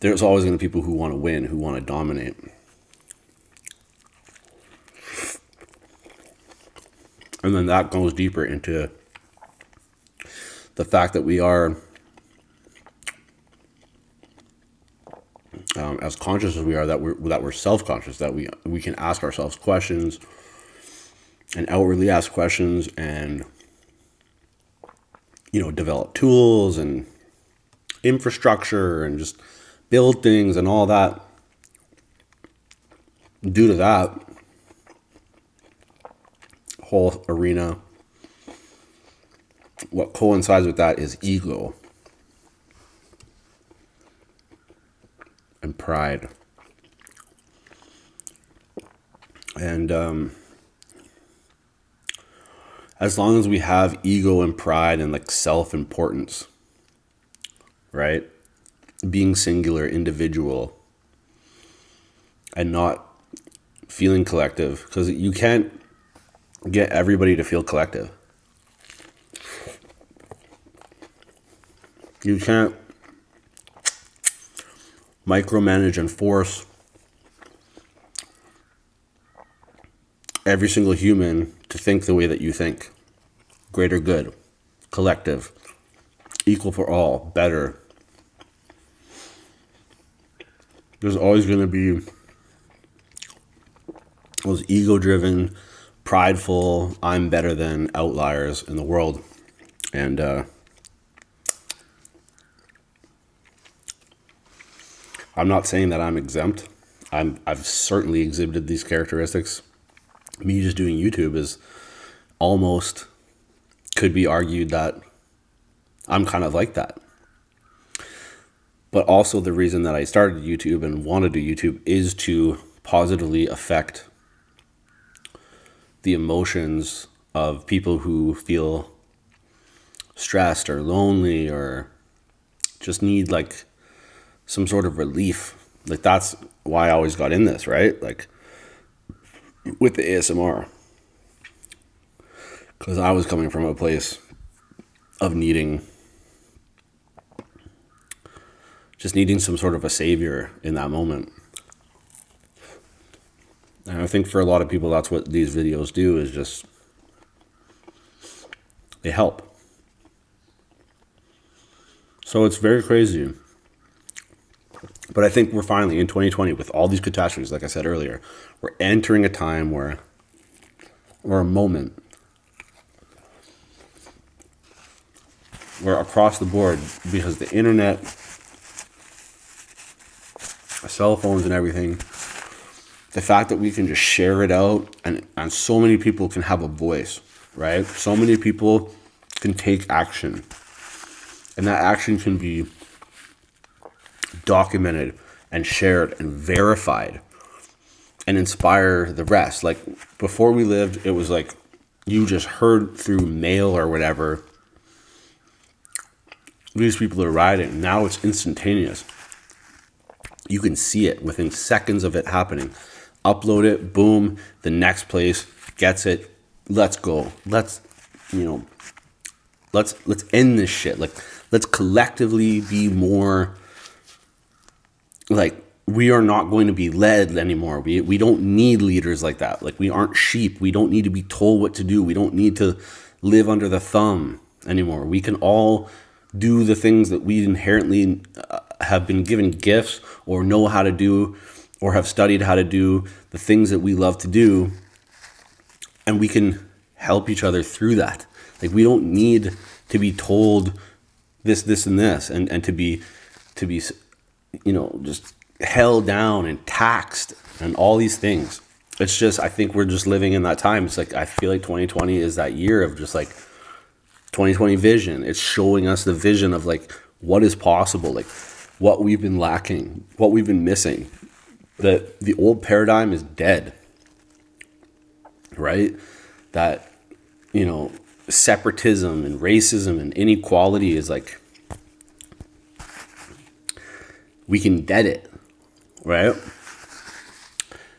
there's always going to be people who want to win, who want to dominate. And then that goes deeper into the fact that we are, um, as conscious as we are, that we're that we're self conscious, that we we can ask ourselves questions and outwardly ask questions and you know, develop tools and infrastructure and just build things and all that. Due to that, whole arena, what coincides with that is ego and pride. And um, as long as we have ego and pride and like self importance, right? Being singular, individual, and not feeling collective, because you can't get everybody to feel collective. You can't micromanage, and force every single human to think the way that you think. Greater good, collective, equal for all, better. There's always going to be those ego driven, prideful, I'm better than outliers in the world. And uh, I'm not saying that I'm exempt. I'm I've certainly exhibited these characteristics. Me just doing YouTube is almost could be argued that I'm kind of like that. But also the reason that I started YouTube and wanted to do YouTube is to positively affect the emotions of people who feel stressed or lonely or just need like some sort of relief. Like that's why I always got in this, right? Like with the ASMR. Cuz I was coming from a place of needing just needing some sort of a savior in that moment. And I think for a lot of people, that's what these videos do is just, they help. So it's very crazy. But I think we're finally in 2020 with all these catastrophes, like I said earlier, we're entering a time where, or a moment where across the board, because the internet cell phones and everything, the fact that we can just share it out and, and so many people can have a voice, right? So many people can take action. And that action can be documented and shared and verified and inspire the rest. Like before we lived, it was like you just heard through mail or whatever these people are riding. Now it's instantaneous. You can see it within seconds of it happening. Upload it, boom, the next place gets it. Let's go. Let's, you know, let's let's end this shit. Like let's collectively be more like we are not going to be led anymore. We we don't need leaders like that. Like we aren't sheep. We don't need to be told what to do. We don't need to live under the thumb anymore. We can all do the things that we inherently uh, have been given gifts or know how to do or have studied how to do, the things that we love to do. And we can help each other through that. Like we don't need to be told this, this, and this, and, and to be to be you know, just held down and taxed and all these things. It's just, I think we're just living in that time. It's like, I feel like 2020 is that year of just like 2020 vision. It's showing us the vision of like what is possible, like what we've been lacking, what we've been missing. That the old paradigm is dead, right? That, you know, separatism and racism and inequality is like we can get it, right?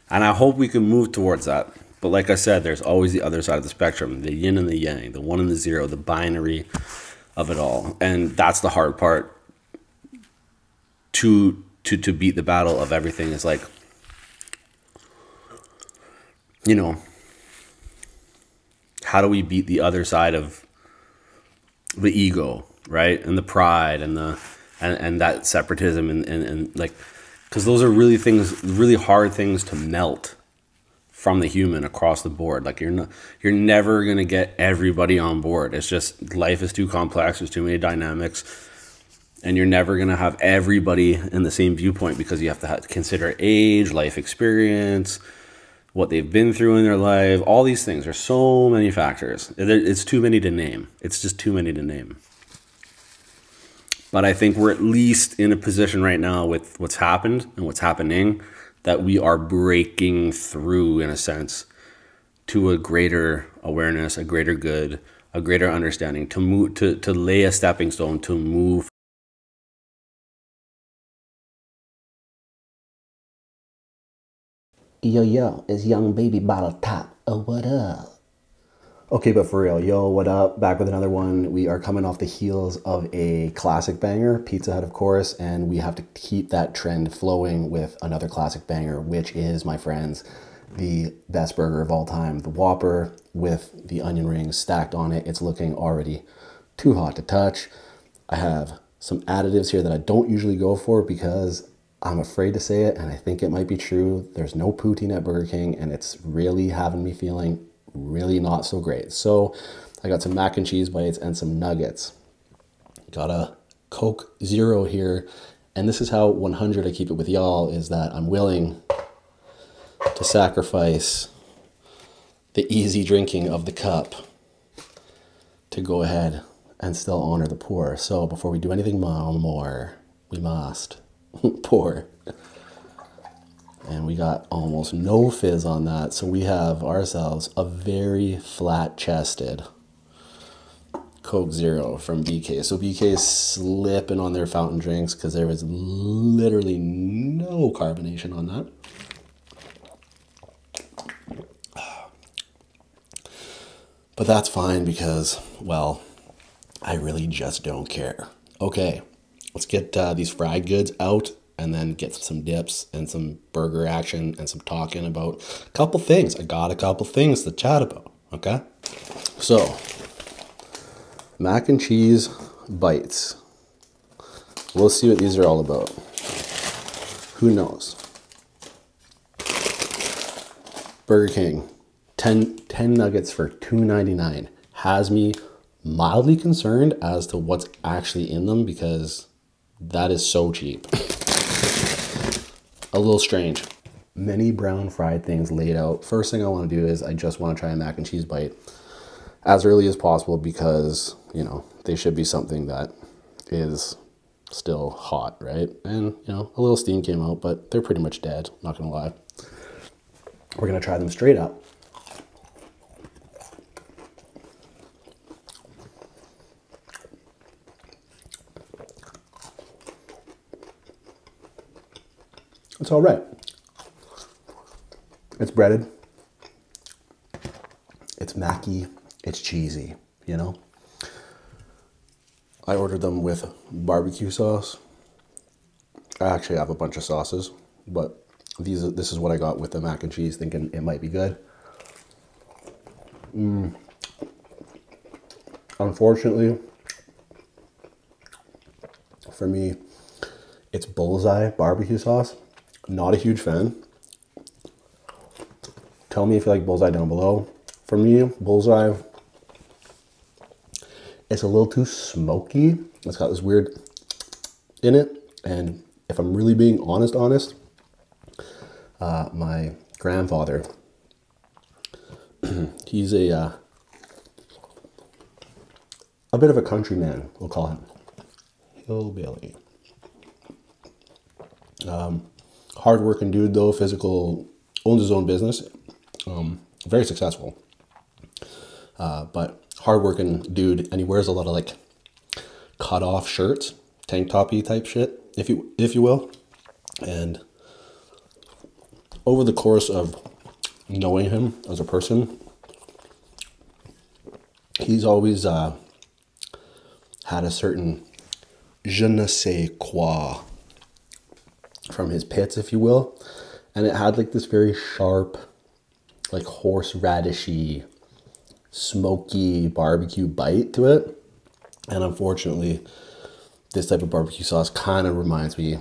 And I hope we can move towards that. But like I said, there's always the other side of the spectrum the yin and the yang, the one and the zero, the binary of it all. And that's the hard part to to to beat the battle of everything is like you know how do we beat the other side of the ego, right, and the pride, and the and, and that separatism, and and, and like, because those are really things, really hard things to melt from the human across the board. Like you're not, you're never gonna get everybody on board. It's just life is too complex. There's too many dynamics, and you're never gonna have everybody in the same viewpoint because you have to consider age, life experience, what they've been through in their life, all these things. There's so many factors. It's too many to name. It's just too many to name. But I think we're at least in a position right now with what's happened and what's happening that we are breaking through, in a sense, to a greater awareness, a greater good, a greater understanding, to move, to, to lay a stepping stone, to move Yo, yo, it's Young Baby Bottle Top. Oh, what up? Okay, but for real, yo, what up? Back with another one. We are coming off the heels of a classic banger, Pizza Hut, of course, and we have to keep that trend flowing with another classic banger, which is, my friends, the best burger of all time, the Whopper with the onion rings stacked on it. It's looking already too hot to touch. I have some additives here that I don't usually go for because I'm afraid to say it and I think it might be true. There's no poutine at Burger King and it's really having me feeling really not so great. So I got some mac and cheese bites and some nuggets. Got a Coke Zero here. And this is how 100 I keep it with y'all is that I'm willing to sacrifice the easy drinking of the cup to go ahead and still honor the poor. So before we do anything more, we must pour. And we got almost no fizz on that. So we have ourselves a very flat chested Coke Zero from BK. So BK is slipping on their fountain drinks because there was literally no carbonation on that. But that's fine because, well, I really just don't care. Okay, let's get uh, these fried goods out and then get some dips and some burger action and some talking about a couple things. I got a couple things to chat about, okay? So, mac and cheese bites. We'll see what these are all about. Who knows? Burger King, 10, nuggets for $2.99 has me mildly concerned as to what's actually in them because that is so cheap. A little strange. Many brown fried things laid out. First thing I want to do is I just want to try a mac and cheese bite as early as possible because, you know, they should be something that is still hot, right? And, you know, a little steam came out, but they're pretty much dead, not gonna lie. We're gonna try them straight up. It's all right. It's breaded. It's macky, it's cheesy, you know? I ordered them with barbecue sauce. I actually have a bunch of sauces, but these this is what I got with the mac and cheese, thinking it might be good. Mm. Unfortunately, for me, it's bullseye barbecue sauce. Not a huge fan. Tell me if you like Bullseye down below. For me, Bullseye, it's a little too smoky. It's got this weird in it. And if I'm really being honest, honest, uh, my grandfather, he's a, uh, a bit of a countryman, we'll call him hillbilly. Um, hardworking dude though, physical, owns his own business, um, very successful. Uh, but hardworking dude, and he wears a lot of like cut off shirts, tank toppy type shit, if you if you will. And over the course of knowing him as a person, he's always uh, had a certain je ne sais quoi from his pits, if you will. And it had like this very sharp, like horseradishy, smoky barbecue bite to it. And unfortunately, this type of barbecue sauce kind of reminds me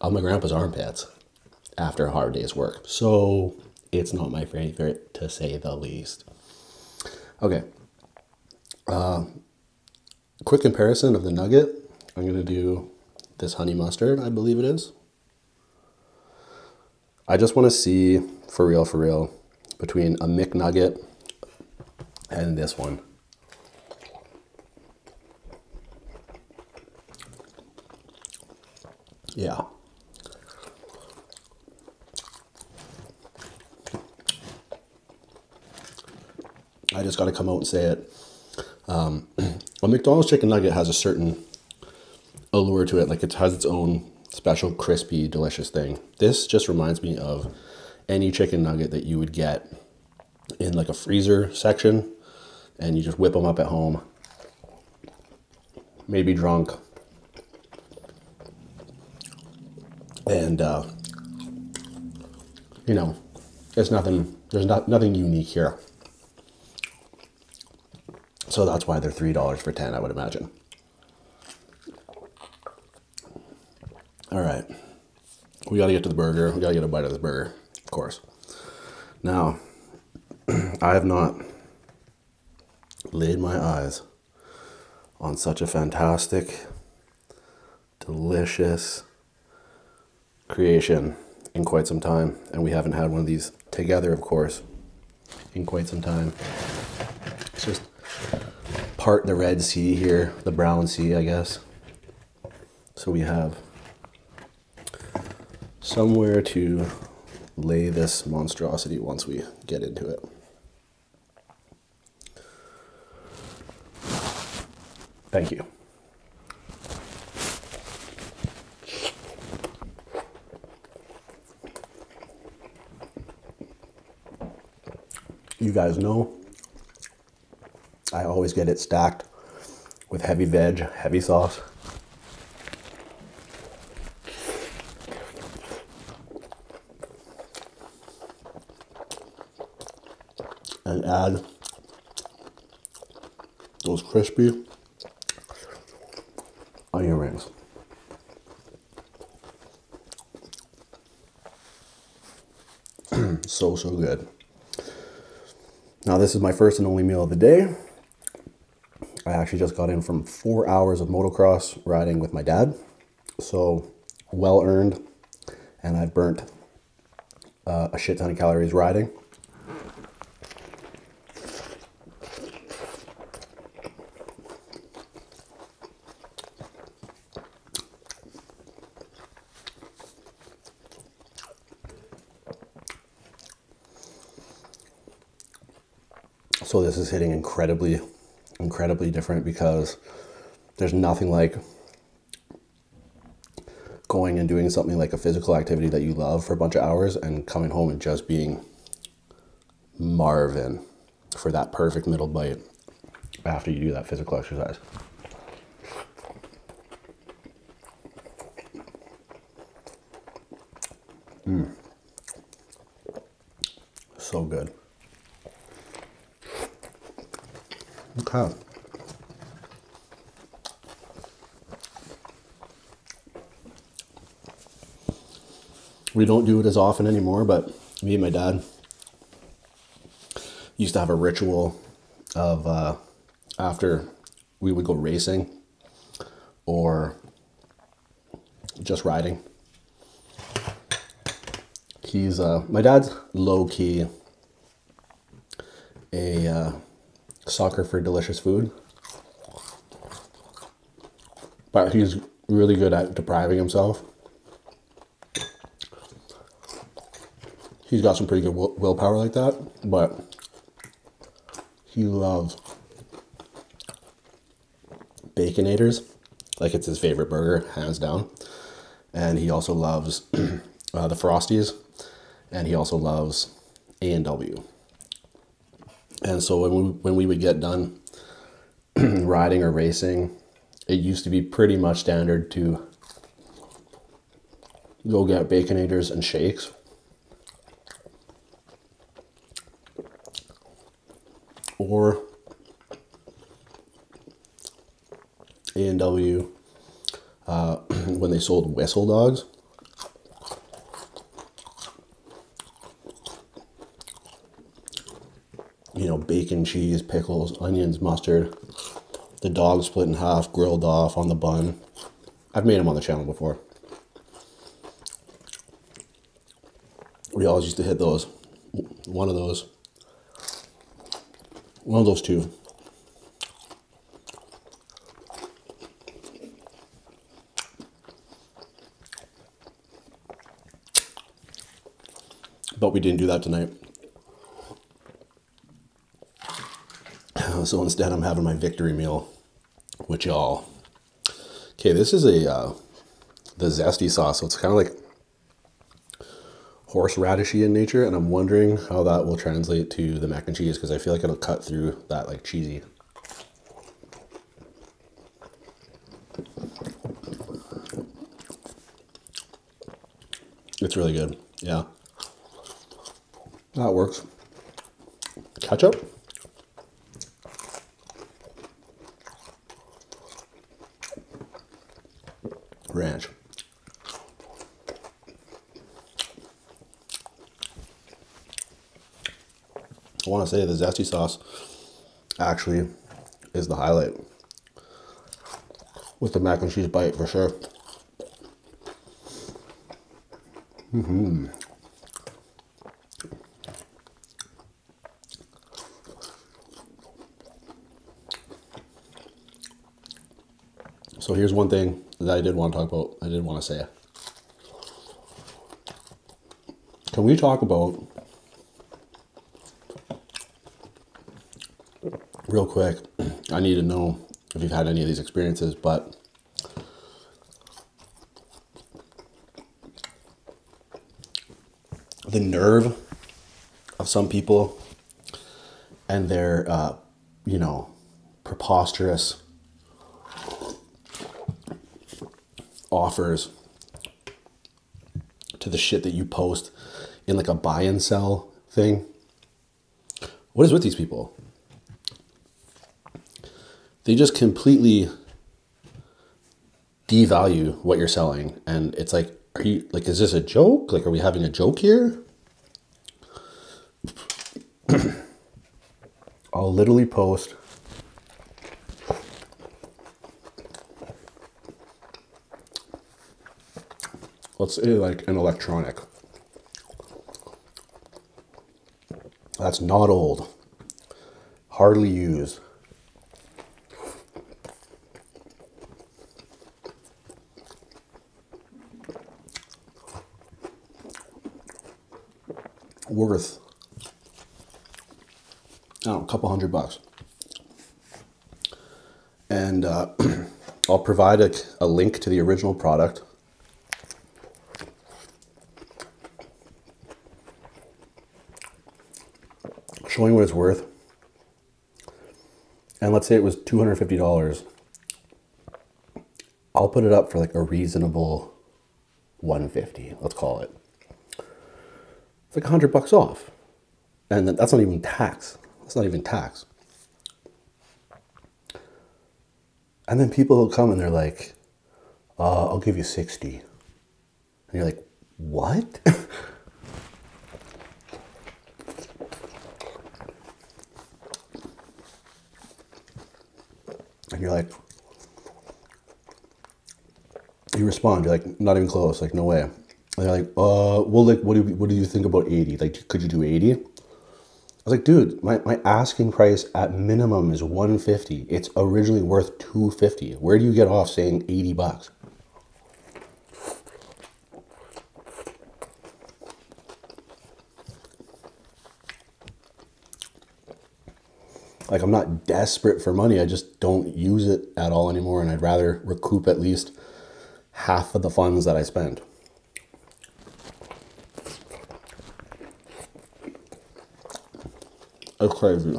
of my grandpa's armpits after a hard day's work. So it's not my favorite to say the least. Okay. Uh, quick comparison of the nugget. I'm going to do this honey mustard, I believe it is. I just want to see, for real, for real, between a McNugget and this one. Yeah. I just got to come out and say it. Um, a McDonald's chicken nugget has a certain allure to it. Like it has its own special crispy, delicious thing. This just reminds me of any chicken nugget that you would get in like a freezer section and you just whip them up at home maybe drunk, and uh, you know, there's nothing. There's not nothing unique here. So that's why they're three dollars for ten, I would imagine. All right, we gotta get to the burger. We gotta get a bite of this burger, of course. Now, I have not laid my eyes on such a fantastic, delicious creation in quite some time. And we haven't had one of these together, of course, in quite some time. It's just part the Red Sea here, the Brown Sea, I guess. So we have somewhere to lay this monstrosity once we get into it. Thank you. You guys know I always get it stacked with heavy veg, heavy sauce and add those crispy onion rings. so, so good. Now, this is my first and only meal of the day. I actually just got in from four hours of motocross riding with my dad. So well earned, and I've burnt uh, a shit ton of calories riding. So this is hitting incredibly, incredibly different because there's nothing like going and doing something like a physical activity that you love for a bunch of hours and coming home and just being Marvin for that perfect middle bite after you do that physical exercise. Mm. So good. Okay. We don't do it as often anymore, but me and my dad used to have a ritual of uh, after we would go racing or just riding. He's uh, my dad's low key a uh, sucker for delicious food, but he's really good at depriving himself. He's got some pretty good willpower like that, but he loves Baconators. Like it's his favorite burger, hands down. And he also loves uh, the Frosties, and he also loves A and W. And so when when we would get done riding or racing, it used to be pretty much standard to go get baconators and shakes or A&W uh, when they sold Wessel dogs. You know, bacon, cheese, pickles, onions, mustard. The dog split in half, grilled off on the bun. I've made them on the channel before we always used to hit those. One of those. One of those two. But we didn't do that tonight. So instead, I'm having my victory meal, which y'all. Okay, this is a uh, the zesty sauce, so it's kind of like horseradishy in nature, and I'm wondering how that will translate to the mac and cheese because I feel like it'll cut through that like cheesy. It's really good. Yeah. That works. Ketchup? ranch. I want to say the zesty sauce actually is the highlight with the mac and cheese bite for sure. Mm hmm so here's one thing that I did want to talk about. I did want to say. Can we talk about real quick? I need to know if you've had any of these experiences, but the nerve of some people and their, uh, you know, preposterous offers to the shit that you post in like a buy and sell thing. What is with these people? They just completely devalue what you're selling. And it's like, are you like, is this a joke? Like, are we having a joke here? I'll literally post. Let's say like an electronic. That's not old. Hardly used worth I a couple hundred bucks. And uh, I'll provide a link to the original product showing what it's worth. And let's say it was $250. I'll put it up for like a reasonable 150, let's call it. It's like a 100 bucks off. And that's not even tax. That's not even tax. And then people will come and they're like, uh, I'll give you 60. And you're like, what? and you're like, you respond, you're like, not even close, like, no way. And they're like, uh, well, like, what do, you, what do you think about 80? Like, could you do 80? I was like, dude, my, my asking price at minimum is 150. It's originally worth 250. Where do you get off saying 80 bucks? Like I'm not desperate for money. I just don't use it at all anymore. And I'd rather recoup at least half of the funds that I spend. It's crazy.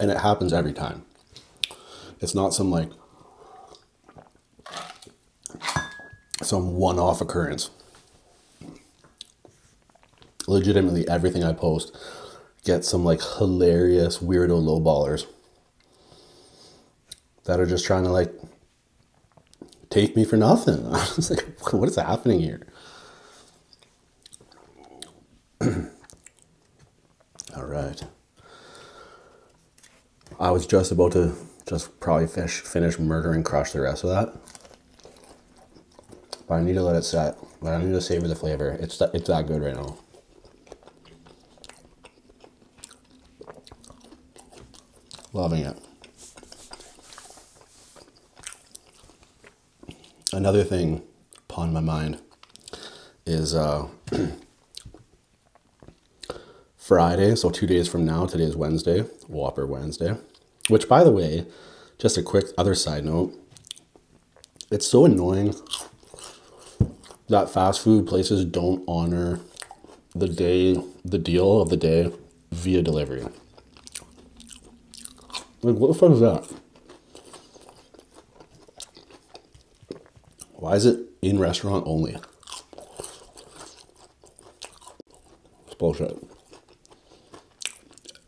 And it happens every time. It's not some like some one off occurrence. Legitimately, everything I post gets some like hilarious weirdo lowballers that are just trying to like take me for nothing. I was like, what is happening here? All right. I was just about to just probably finish, finish murder crush the rest of that. But I need to let it set. But I need to savor the flavor. It's it's that good right now. Loving it. Another thing upon my mind is uh, Friday, so two days from now, today is Wednesday, Whopper Wednesday, which by the way, just a quick other side note, it's so annoying that fast food places don't honor the day, the deal of the day via delivery. Like, what the fuck is that? Why is it in restaurant only? It's bullshit.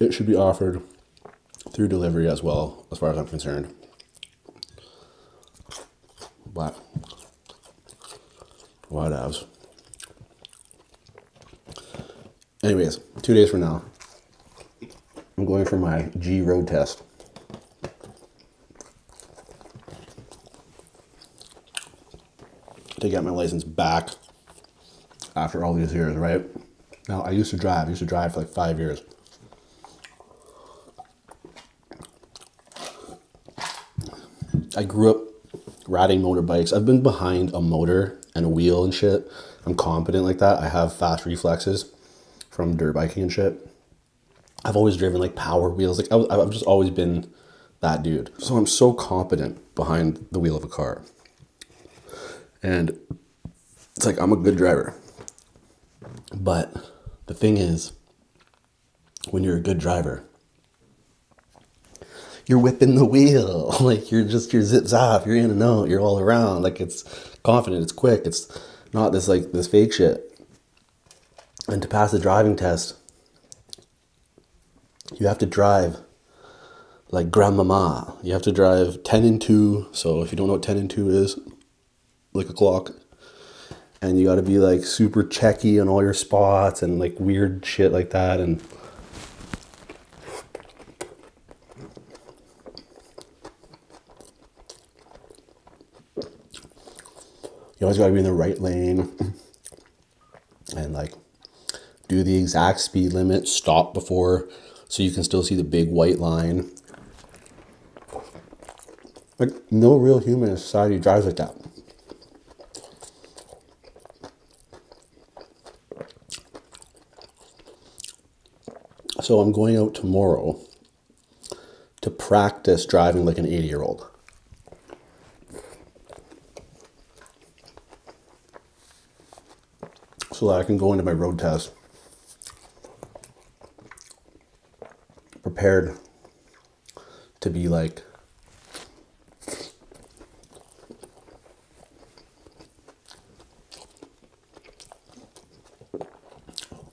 It should be offered through delivery as well, as far as I'm concerned. But, what else? Anyways, two days from now, I'm going for my G road test. To get my license back after all these years, right? Now, I used to drive. I used to drive for like five years. I grew up riding motorbikes. I've been behind a motor and a wheel and shit. I'm competent like that. I have fast reflexes from dirt biking and shit. I've always driven like power wheels. Like I, I've just always been that dude. So I'm so competent behind the wheel of a car. And it's like I'm a good driver. But the thing is, when you're a good driver, you're whipping the wheel like you're just your zips off you're in and out you're all around like it's confident it's quick it's not this like this fake shit and to pass the driving test you have to drive like grandmama you have to drive 10 and 2 so if you don't know what 10 and 2 is like a clock and you got to be like super checky on all your spots and like weird shit like that and you always gotta be in the right lane and like do the exact speed limit, stop before so you can still see the big white line. Like no real human society drives like that. So I'm going out tomorrow to practice driving like an 80 year old. So that I can go into my road test prepared to be like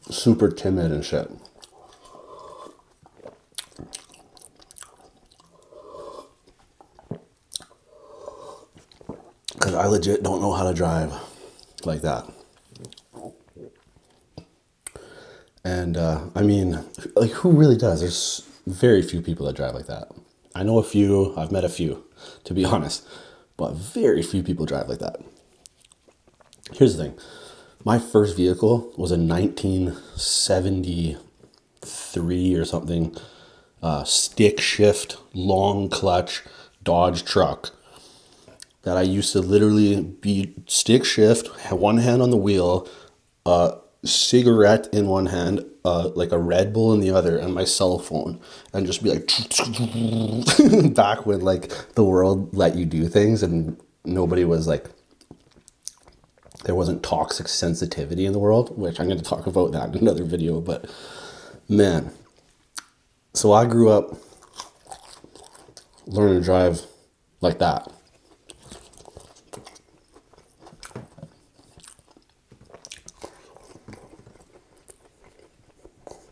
Super timid and shit. Because I legit don't know how to drive like that. And uh, I mean, like, who really does? There's very few people that drive like that. I know a few, I've met a few, to be honest, but very few people drive like that. Here's the thing my first vehicle was a 1973 or something uh, stick shift, long clutch Dodge truck that I used to literally be stick shift, one hand on the wheel, a cigarette in one hand, uh, like a Red Bull in the other, and my cell phone, and just be like back when like the world let you do things and nobody was like there wasn't toxic sensitivity in the world, which I'm going to talk about that in another video, but man. So I grew up learning to drive like that.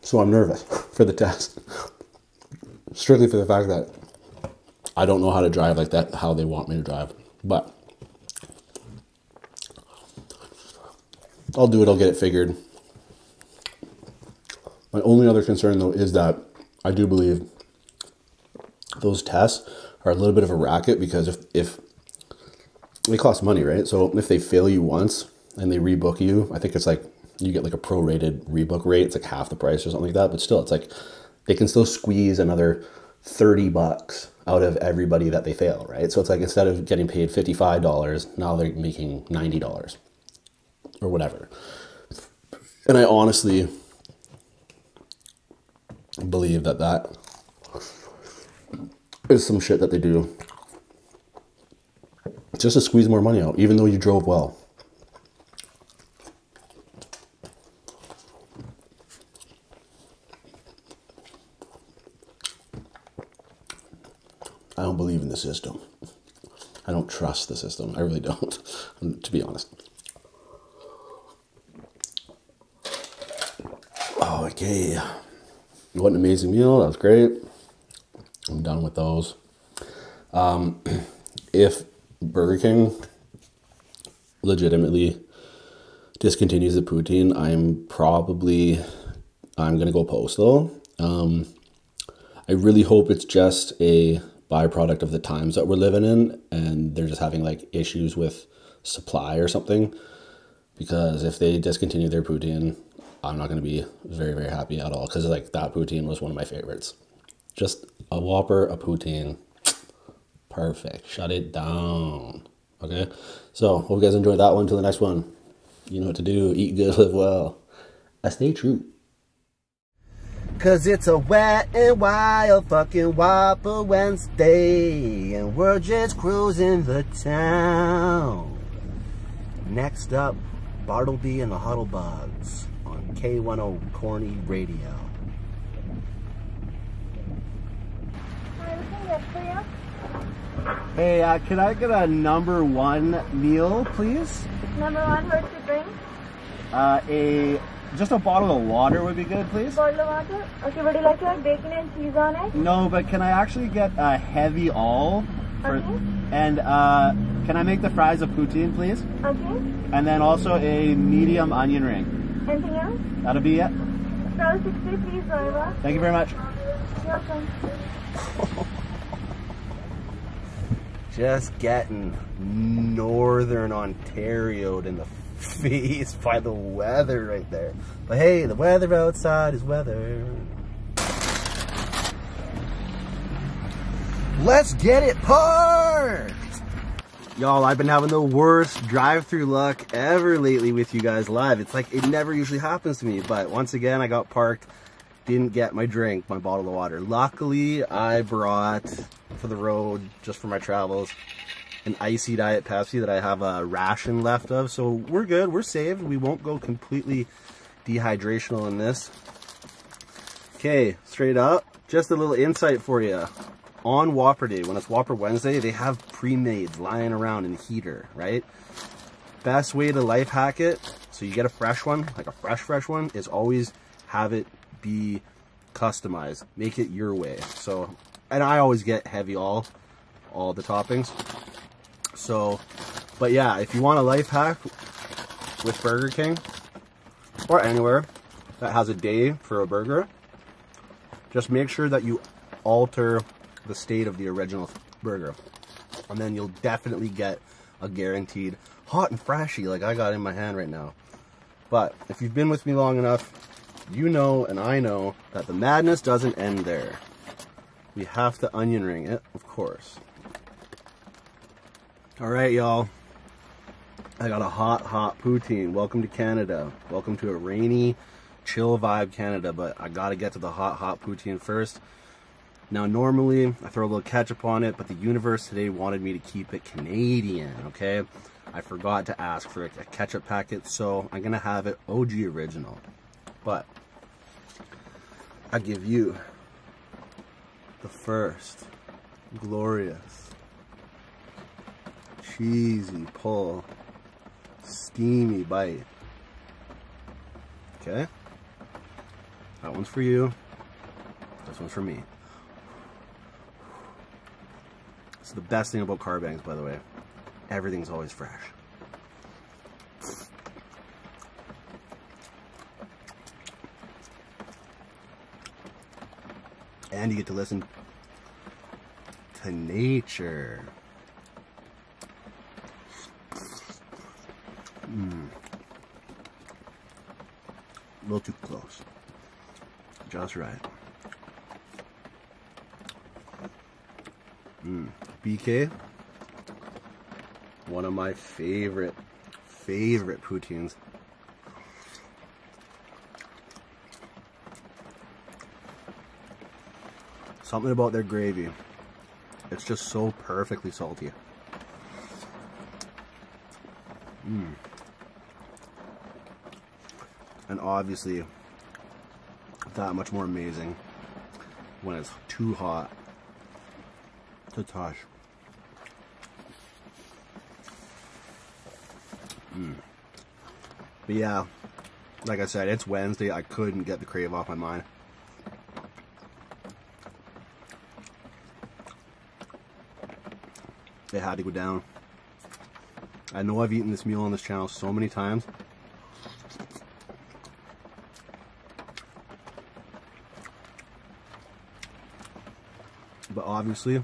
So I'm nervous for the test. Strictly for the fact that I don't know how to drive like that, how they want me to drive. But I'll do it, I'll get it figured. My only other concern though is that I do believe those tests are a little bit of a racket because if, if it costs money, right? So if they fail you once and they rebook you, I think it's like you get like a prorated rebook rate. It's like half the price or something like that. But still, it's like they can still squeeze another 30 bucks out of everybody that they fail, right? So it's like instead of getting paid $55, now they're making $90 or whatever. And I honestly, believe that that is some shit that they do just to squeeze more money out, even though you drove well. I don't believe in the system. I don't trust the system. I really don't, to be honest. Oh, okay. What an amazing meal. That was great. I'm done with those. Um, if Burger King legitimately discontinues the poutine, I'm probably I'm gonna go postal. Um, I really hope it's just a byproduct of the times that we're living in, and they're just having like issues with supply or something because if they discontinue their poutine, I'm not going to be very, very happy at all because like that poutine was one of my favorites. Just a Whopper, a poutine, perfect. Shut it down. Okay, so hope you guys enjoyed that one. Till the next one, you know what to do. Eat good, live well. I stay true. Cause it's a wet and wild fucking whopper when Stay and we're just cruising the town. Next up, Bartleby and the Huddlebugs on K10 Corny Radio. Hey, uh, can I get a number one meal, please? Number one, what's to drink? Uh, a just a bottle of water would be good, please. Bottle of water. Okay, what do you like bacon and cheese on it? No, but can I actually get a heavy all? okay. And uh, can I make the fries a poutine, please? Okay. And then also a medium onion ring. Anything else? That'll be it. So 60, please, Thank you very much. You're welcome. Just getting Northern Ontario in the the face by the weather right there. But hey, the weather outside is weather. Let's get it parked! Y'all, I've been having the worst drive-through luck ever lately with you guys live. It's like, it never usually happens to me, but once again, I got parked, didn't get my drink, my bottle of water. Luckily, I brought for the road, just for my travels, an icy diet Pepsi that I have a ration left of. So we're good. We're saved. We won't go completely dehydrational in this. Okay, straight up. Just a little insight for you. On Whopper Day, when it's Whopper Wednesday, they have pre-mades lying around in the heater, right? Best way to life hack it, so you get a fresh one, like a fresh, fresh one, is always have it be customized. Make it your way. So and I always get heavy all, all the toppings. So, but yeah, if you want a life hack with Burger King or anywhere that has a day for a burger, just make sure that you alter the state of the original burger. And then you'll definitely get a guaranteed hot and freshy like I got in my hand right now. But if you've been with me long enough, you know and I know that the madness doesn't end there. We have to onion ring it, of course. All right, y'all. I got a hot, hot poutine. Welcome to Canada. Welcome to a rainy, chill vibe Canada, but I gotta get to the hot, hot poutine first. Now, normally I throw a little ketchup on it, but the universe today wanted me to keep it Canadian, okay? I forgot to ask for a ketchup packet, so I'm gonna have it OG original. But I give you the first glorious cheesy pull steamy bite. Okay? That one's for you. This one's for me. It's the best thing about car bangs, by the way. Everything's always fresh. And you get to listen to nature. Hmm. A little too close. Just right. Mm. BK, one of my favorite, favorite poutines. Something about their gravy. It's just so perfectly salty. Mmm and obviously that much more amazing when it's too hot to touch. Mm. But yeah, like I said, it's Wednesday. I couldn't get the crave off my mind. It had to go down. I know I've eaten this meal on this channel so many times. But obviously,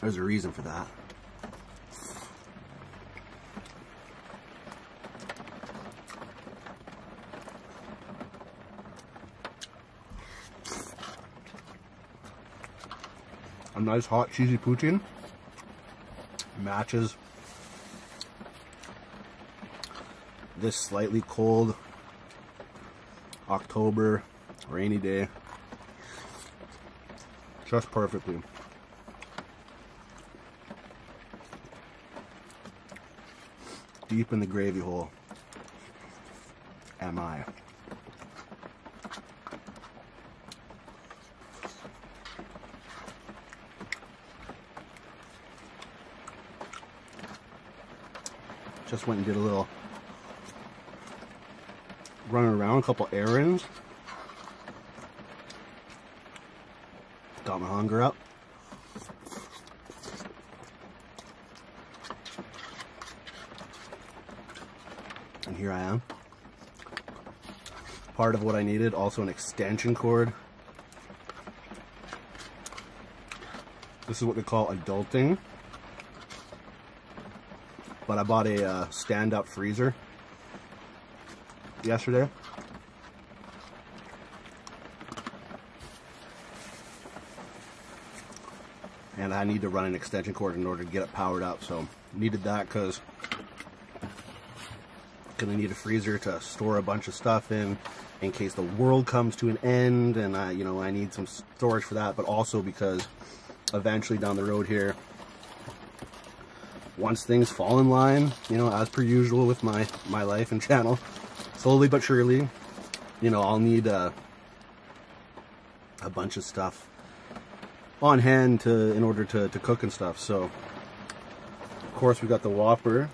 there's a reason for that. A nice hot cheesy poutine matches this slightly cold October rainy day just perfectly. Deep in the gravy hole am I. Just went and did a little running around, a couple errands. Got my hunger up. And here I am part of what I needed, also an extension cord. This is what they call adulting. But I bought a uh, stand-up freezer yesterday. And I need to run an extension cord in order to get it powered up, so needed that because gonna need a freezer to store a bunch of stuff in in case the world comes to an end and I you know I need some storage for that but also because eventually down the road here once things fall in line you know as per usual with my my life and channel slowly but surely you know I'll need a, uh, a bunch of stuff on hand to in order to, to cook and stuff. So, of course, we got the Whopper.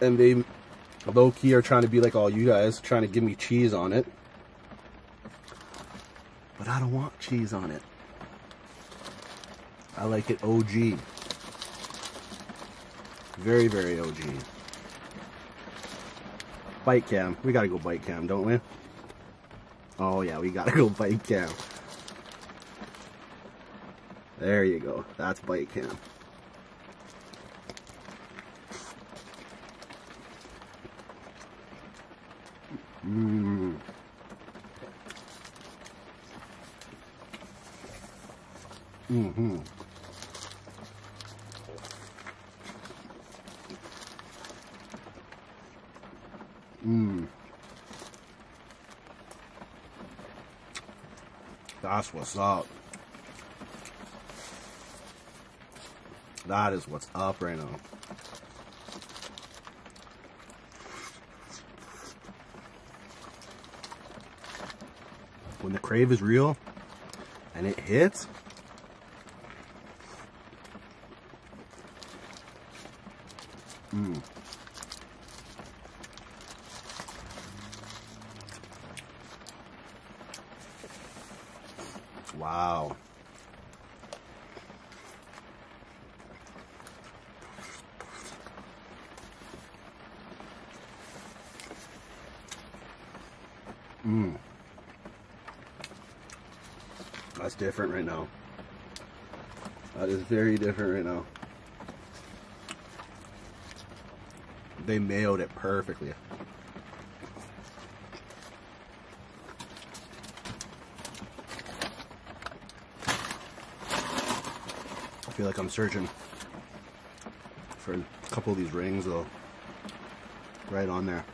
And they low-key are trying to be like all you guys, trying to give me cheese on it. But I don't want cheese on it. I like it OG. Very, very OG. Bite cam. We gotta go bite cam, don't we? Oh yeah, we gotta go bike cam. There you go. That's bike cam. Mm. Mm-hmm. Mmm. That's what's up. That is what's up right now. When the crave is real and it hits, Mm. Wow. Mm. That's different right now. That is very different right now. They mailed it perfectly. I feel like I'm searching for a couple of these rings though. Right on there.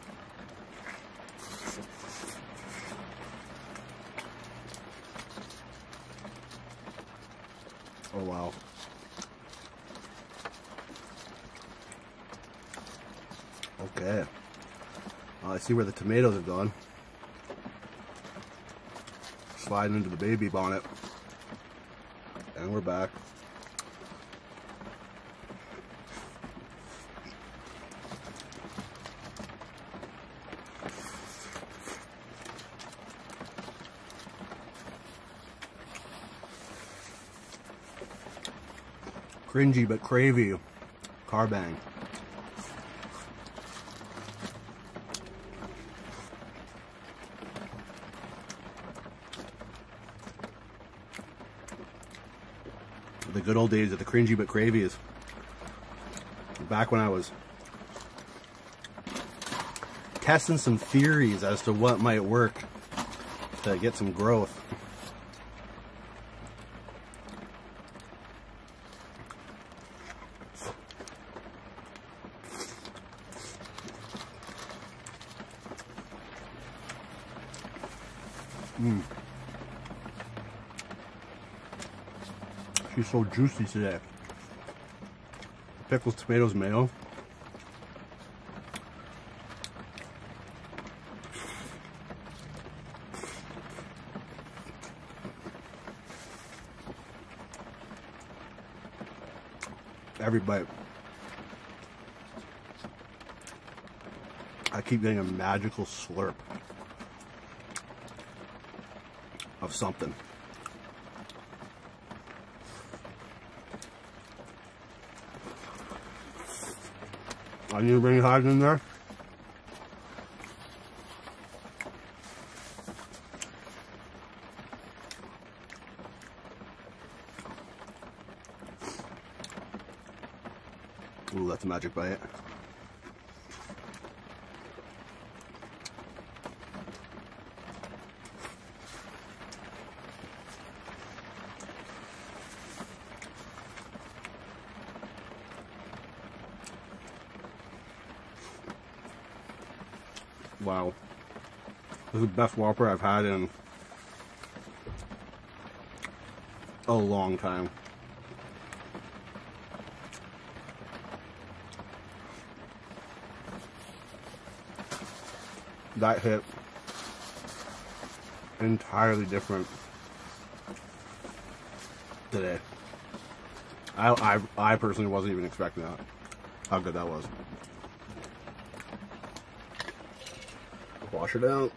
Oh, wow. Okay. I see where the tomatoes have gone. Sliding into the baby bonnet. And we're back. Cringy but cravey. bang. The good old days of the cringy but is Back when I was testing some theories as to what might work to get some growth. Mm. She's so juicy today. Pickles, tomatoes, mayo. Everybody. I keep getting a magical slurp of something. I need to bring hives in there. Ooh, that's magic, by it. Wow. This is the best Whopper I've had in a long time. That hit entirely different today. I, I, I personally wasn't even expecting that, how good that was. Wash it out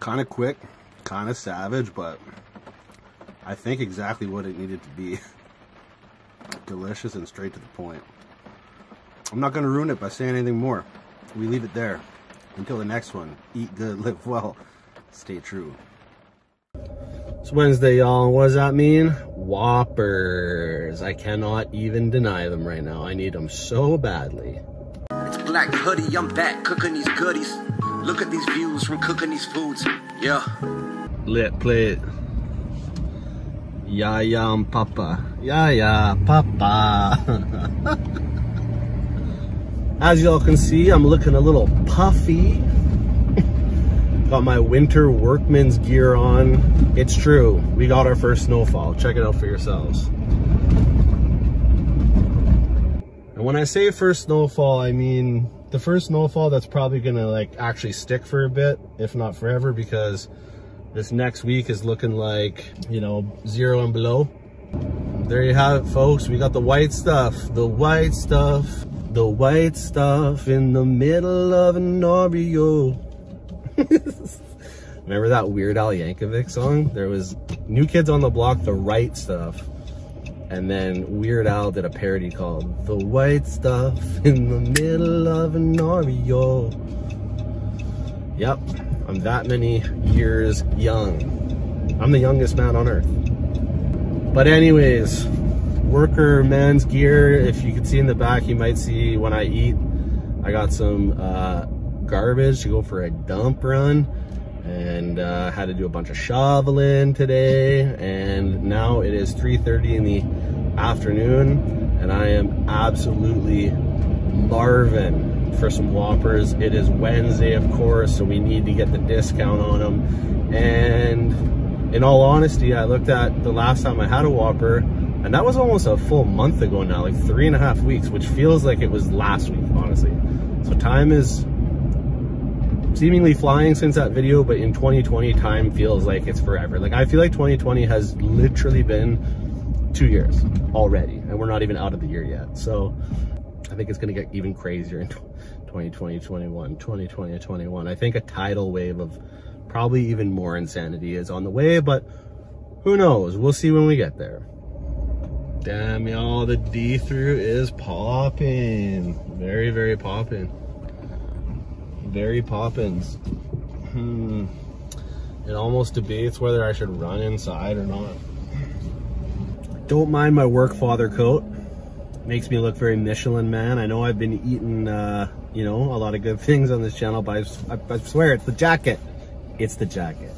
kind of quick, kind of savage, but I think exactly what it needed to be. Delicious and straight to the point. I'm not going to ruin it by saying anything more. We leave it there. Until the next one, eat good, live well, stay true. It's Wednesday, y'all. What does that mean? Whoppers. I cannot even deny them right now. I need them so badly. It's Black Hoodie. I'm back cooking these goodies. Look at these views from cooking these foods. Yeah. Lit play it. ya and papa. Ya ya papa. As y'all can see, I'm looking a little puffy. Got my winter work workman's gear on. It's true, we got our first snowfall. Check it out for yourselves. And when I say first snowfall, I mean the first snowfall that's probably gonna like actually stick for a bit, if not forever, because this next week is looking like, you know, zero and below. There you have it, folks. We got the white stuff, the white stuff the white stuff in the middle of an Oreo. Remember that Weird Al Yankovic song? There was New Kids on the Block, The Right Stuff. And then Weird Al did a parody called The White Stuff in the Middle of an Oreo. Yep, I'm that many years young. I'm the youngest man on earth. But anyways, worker man's gear, if you can see in the back, you might see when I eat, I got some uh, garbage to go for a dump run and uh, had to do a bunch of shoveling today. And now it is 3.30 in the afternoon and I am absolutely marvin for some Whoppers. It is Wednesday, of course, so we need to get the discount on them. And in all honesty, I looked at the last time I had a Whopper, and that was almost a full month ago now, like three and a half weeks, which feels like it was last week, honestly. So time is seemingly flying since that video, but in 2020, time feels like it's forever. Like I feel like 2020 has literally been two years already, and we're not even out of the year yet. So I think it's gonna get even crazier in 2020, 21, 2020, 21. I think a tidal wave of probably even more insanity is on the way, but who knows? We'll see when we get there. Damn, y'all, the D through is popping. Very, very popping. Very poppins. Hmm. It almost debates whether I should run inside or not. Don't mind my work father coat. Makes me look very Michelin man. I know I've been eating uh, you know, a lot of good things on this channel, but I, swear it's the jacket. It's the jacket.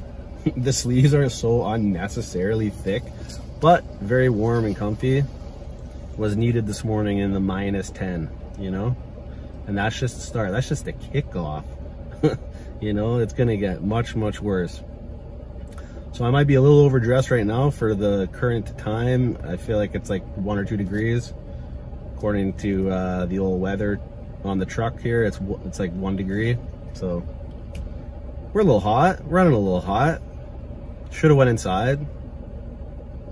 the sleeves are so unnecessarily thick, but very warm and comfy. Was needed this morning in the minus 10, you know? And that's just the start. That's just the kickoff. you know, it's gonna get much, much worse. So I might be a little overdressed right now for the current time. I feel like it's like one or two degrees. According to uh, the old weather on the truck here, it's it's like one degree. So we're a little hot, running a little hot. Should have went inside.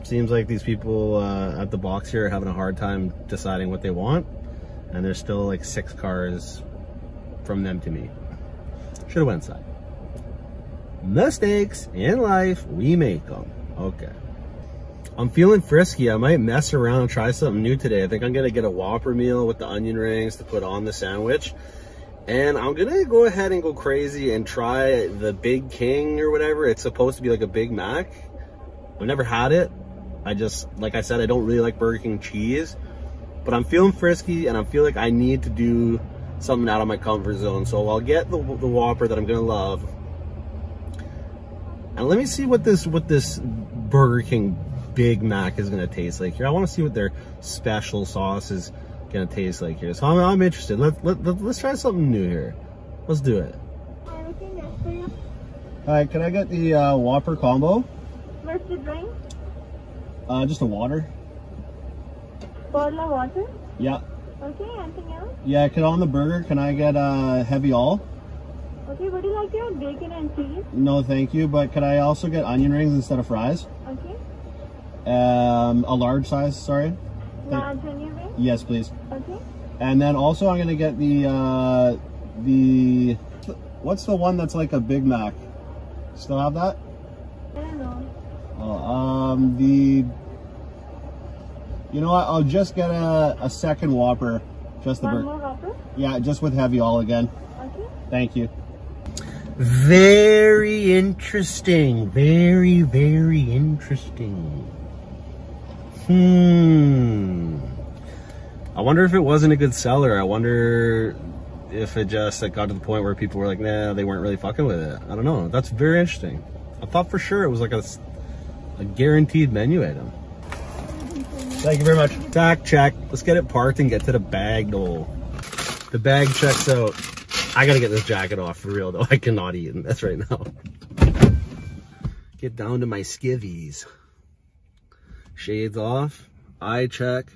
Seems like these people uh, at the box here are having a hard time deciding what they want. And there's still like six cars from them to me. Should have went inside mistakes in life, we make them. Okay. I'm feeling frisky. I might mess around and try something new today. I think I'm gonna get a Whopper meal with the onion rings to put on the sandwich. And I'm gonna go ahead and go crazy and try the Big King or whatever. It's supposed to be like a Big Mac. I've never had it. I just, like I said, I don't really like Burger King cheese, but I'm feeling frisky and I feel like I need to do something out of my comfort zone. So I'll get the, the Whopper that I'm gonna love and let me see what this what this Burger King Big Mac is gonna taste like here. I want to see what their special sauce is gonna taste like here. So I'm, I'm interested. Let, let, let, let's try something new here. Let's do it. All right, can I get the uh, Whopper combo? What's the drink? Uh, just a water. Bottle of water? Yeah. Okay, anything else? Yeah, could on the burger, can I get a uh, heavy all? Okay, would you like to bacon and cheese? No, thank you, but could I also get onion rings instead of fries? Okay. Um, a large size, sorry. Large onion rings? Yes, please. Okay. And then also I'm gonna get the, uh, the, what's the one that's like a Big Mac? Still have that? I don't know. Oh, um, the you know what? I'll just get a, a second Whopper. Just the One Yeah, just with heavy all again. Okay. Thank you. Very interesting. Very, very interesting. Hmm. I wonder if it wasn't a good seller. I wonder if it just like, got to the point where people were like, nah, they weren't really fucking with it. I don't know. That's very interesting. I thought for sure it was like a, a guaranteed menu item. Thank you very much. Tack check. Let's get it parked and get to the bag goal. The bag checks out. I gotta get this jacket off for real though. I cannot eat in this right now. Get down to my skivvies. Shades off, eye check,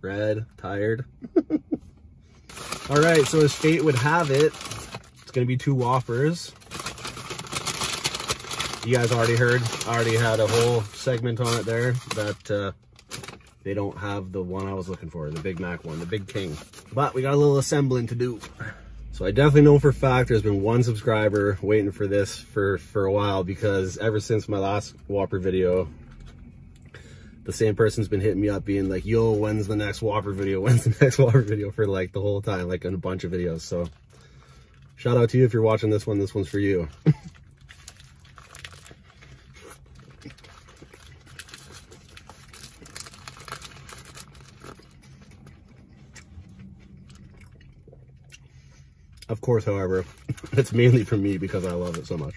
red, tired. All right, so as fate would have it, it's going to be two whoppers. You guys already heard, I already had a whole segment on it there that uh, they don't have the one I was looking for, the Big Mac one, the Big King. But we got a little assembling to do. So I definitely know for fact there's been one subscriber waiting for this for, for a while because ever since my last Whopper video, the same person's been hitting me up being like, yo, when's the next Whopper video? When's the next Whopper video for like the whole time, like in a bunch of videos. So shout out to you if you're watching this one. This one's for you. Of course, however, it's mainly for me because I love it so much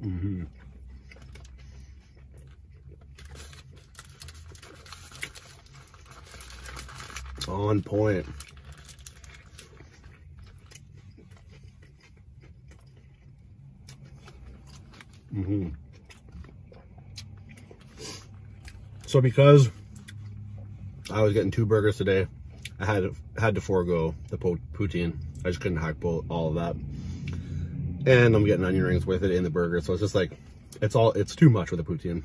hmm On point. hmm So because I was getting two burgers today, I had to, had to forego the poutine. I just couldn't hide all of that. And I'm getting onion rings with it in the burger. So it's just like, it's all, it's too much with a poutine.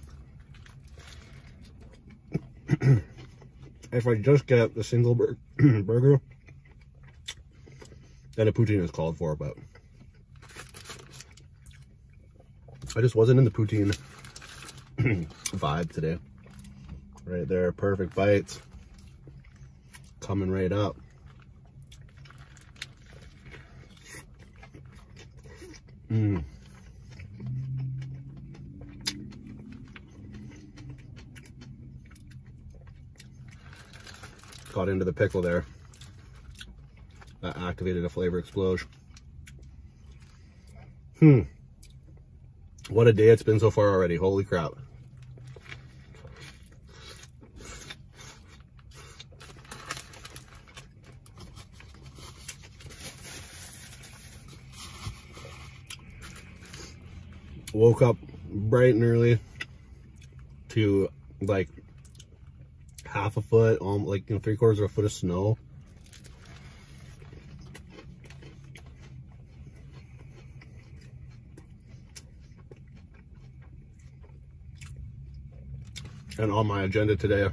if I just get the single burger, then a poutine is called for, but I just wasn't in the poutine vibe today. Right there, perfect bites coming right up. Mmm. Caught into the pickle there. That activated a flavor explosion. Hmm. What a day it's been so far already. Holy crap. Woke up bright and early to like half a foot, um, like you know, three quarters of a foot of snow. And on my agenda today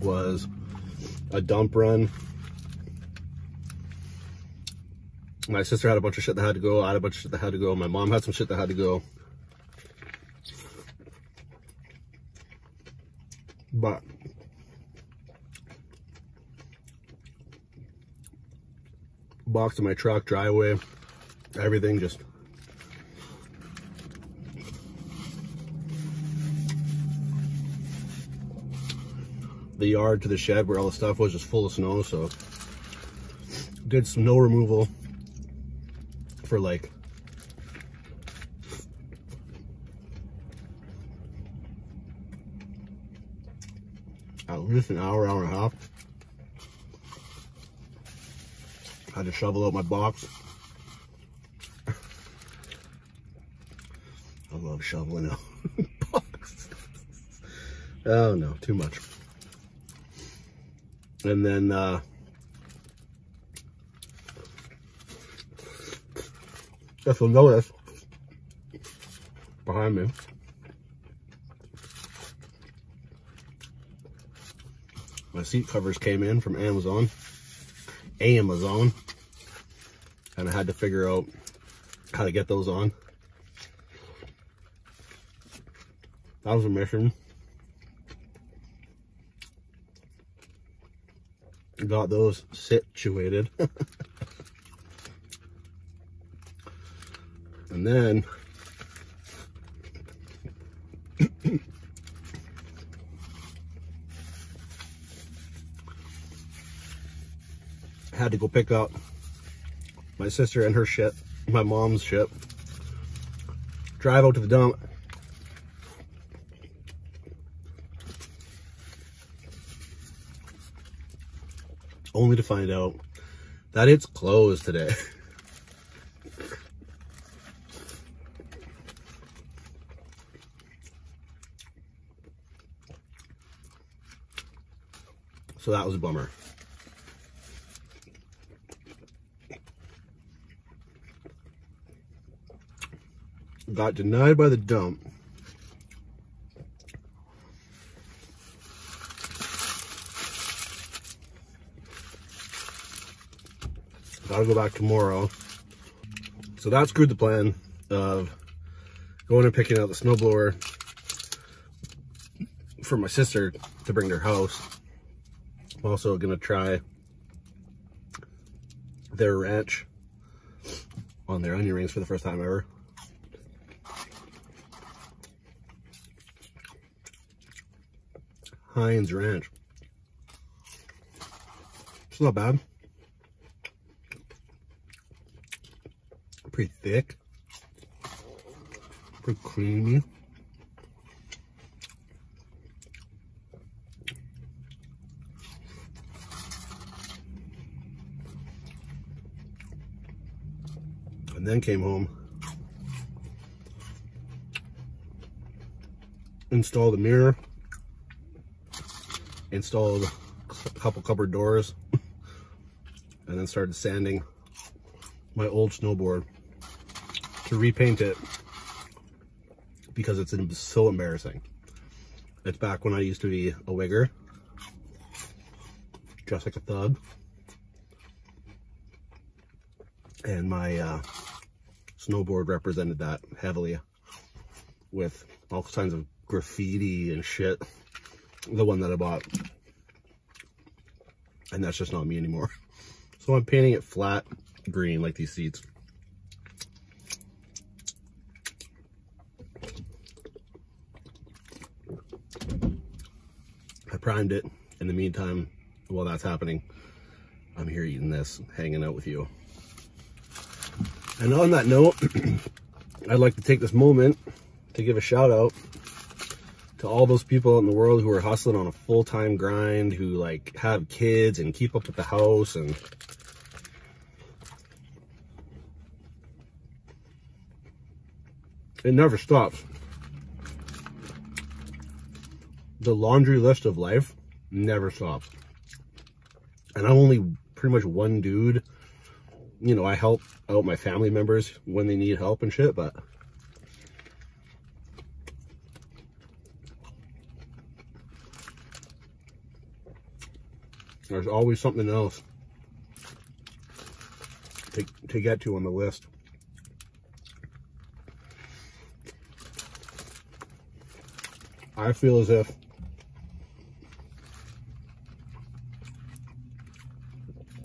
was a dump run. My sister had a bunch of shit that had to go. I had a bunch of shit that had to go. My mom had some shit that had to go. But box in my truck, driveway, everything just the yard to the shed where all the stuff was just full of snow so did snow removal for like at least an hour, hour and a half. I had to shovel up my box. I love shoveling out boxes. Oh no, too much. And then uh, if you'll notice behind me, my seat covers came in from Amazon. Amazon. And I had to figure out how to get those on. That was a mission. Got those situated. And then had to go pick up my sister and her ship, my mom's ship. Drive out to the dump only to find out that it's closed today. so that was a bummer. Got denied by the dump i to go back tomorrow. So that screwed the plan of going and picking out the snowblower for my sister to bring to her house. I'm also gonna try their ranch on their onion rings for the first time ever. Heinz Ranch. It's not bad. Pretty thick. Pretty creamy and then came home, installed the mirror, installed a couple cupboard doors, and then started sanding my old snowboard to repaint it because it's so embarrassing. It's back when I used to be a wigger just like a thug. And my uh, snowboard represented that heavily with all kinds of graffiti and shit. The one that I bought. And that's just not me anymore. So I'm painting it flat green like these seats. I primed it. In the meantime, while that's happening, I'm here eating this, hanging out with you. And on that note, I'd like to take this moment to give a shout out to all those people out in the world who are hustling on a full-time grind, who like have kids and keep up with the house and it never stops. The laundry list of life never stops. And I'm only pretty much one dude. You know, I help out my family members when they need help and shit, but... There's always something else to, to get to on the list. I feel as if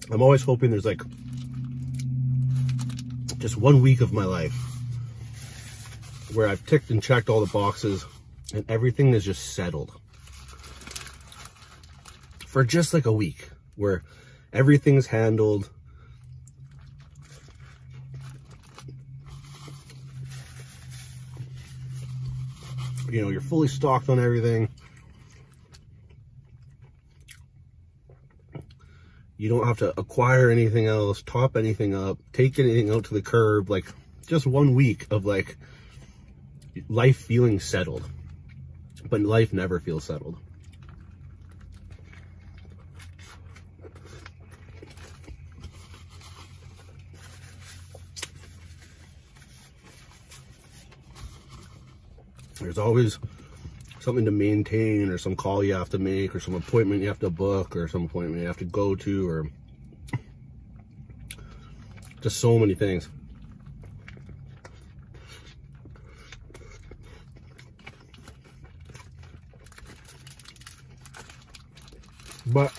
I'm always hoping there's like just one week of my life where I've ticked and checked all the boxes and everything is just settled for just like a week where everything's handled. You know, you're fully stocked on everything. You don't have to acquire anything else, top anything up, take anything out to the curb. Like, just one week of like life feeling settled, but life never feels settled. There's always something to maintain or some call you have to make or some appointment you have to book or some appointment you have to go to or just so many things. But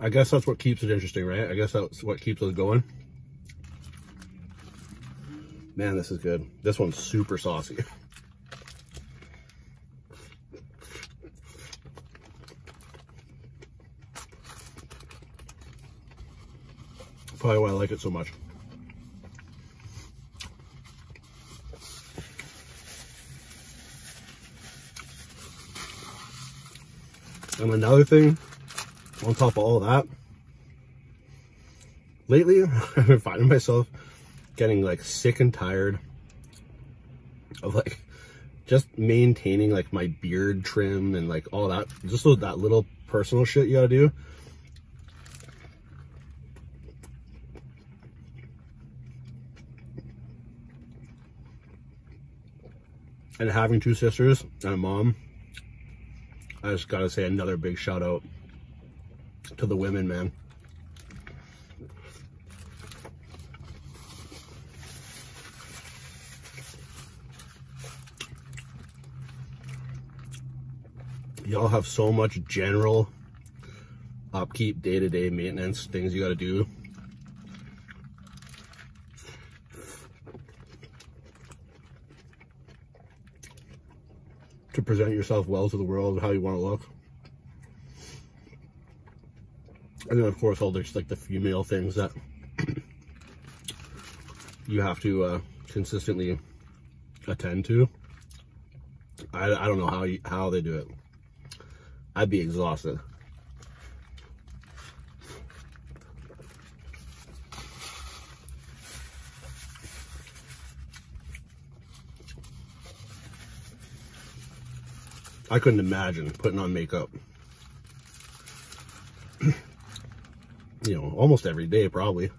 I guess that's what keeps it interesting, right? I guess that's what keeps us going. Man, this is good. This one's super saucy. Probably why I like it so much. And another thing, on top of all that, lately I've been finding myself getting like sick and tired of like just maintaining like my beard trim and like all that, just that little personal shit you gotta do. And having two sisters and a mom, I just gotta say another big shout out to the women, man. Y'all have so much general upkeep, day-to-day maintenance, things you gotta do. To present yourself well to the world, how you wanna look. And then of course all there's like the female things that you have to uh, consistently attend to. I, don't know how how they do it. I'd be exhausted. I couldn't imagine putting on makeup you know, almost every day probably.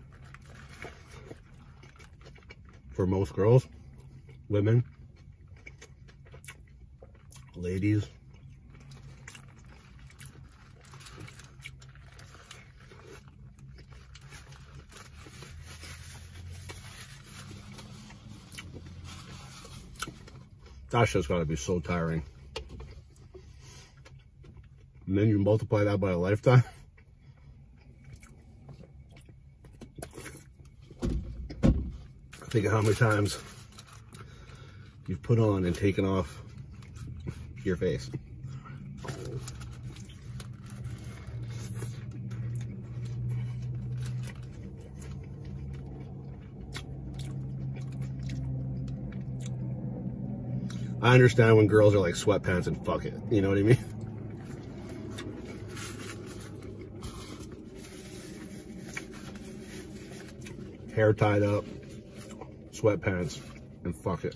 For most girls, women, ladies. That's just gotta be so tiring. And then you multiply that by a lifetime. Think of how many times you've put on and taken off your face. I understand when girls are like sweatpants and fuck it. You know what I mean? Hair tied up, sweatpants, and fuck it.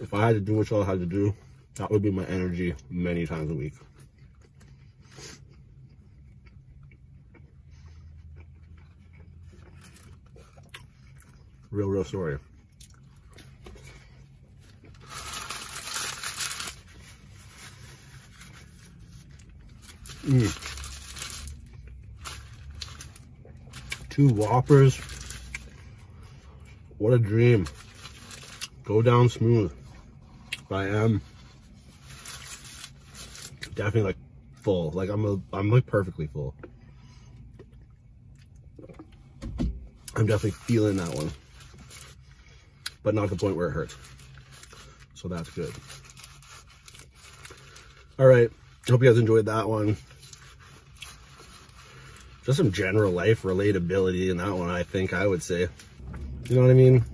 If I had to do what y'all had to do, that would be my energy many times a week. Real, real sorry. Hmm. Two Whoppers. What a dream. Go down smooth. I am definitely like full. Like I'm a, I'm like perfectly full. I'm definitely feeling that one, but not the point where it hurts. So that's good. All right. Hope you guys enjoyed that one just some general life relatability in that one, I think I would say. You know what I mean?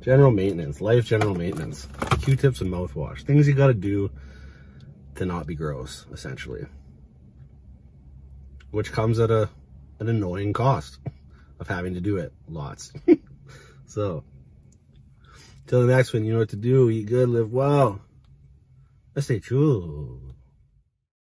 General maintenance, life general maintenance, Q-tips and mouthwash, things you gotta do to not be gross, essentially. Which comes at a an annoying cost of having to do it lots. so, till the next one, you know what to do. Eat good, live well. Let's stay true.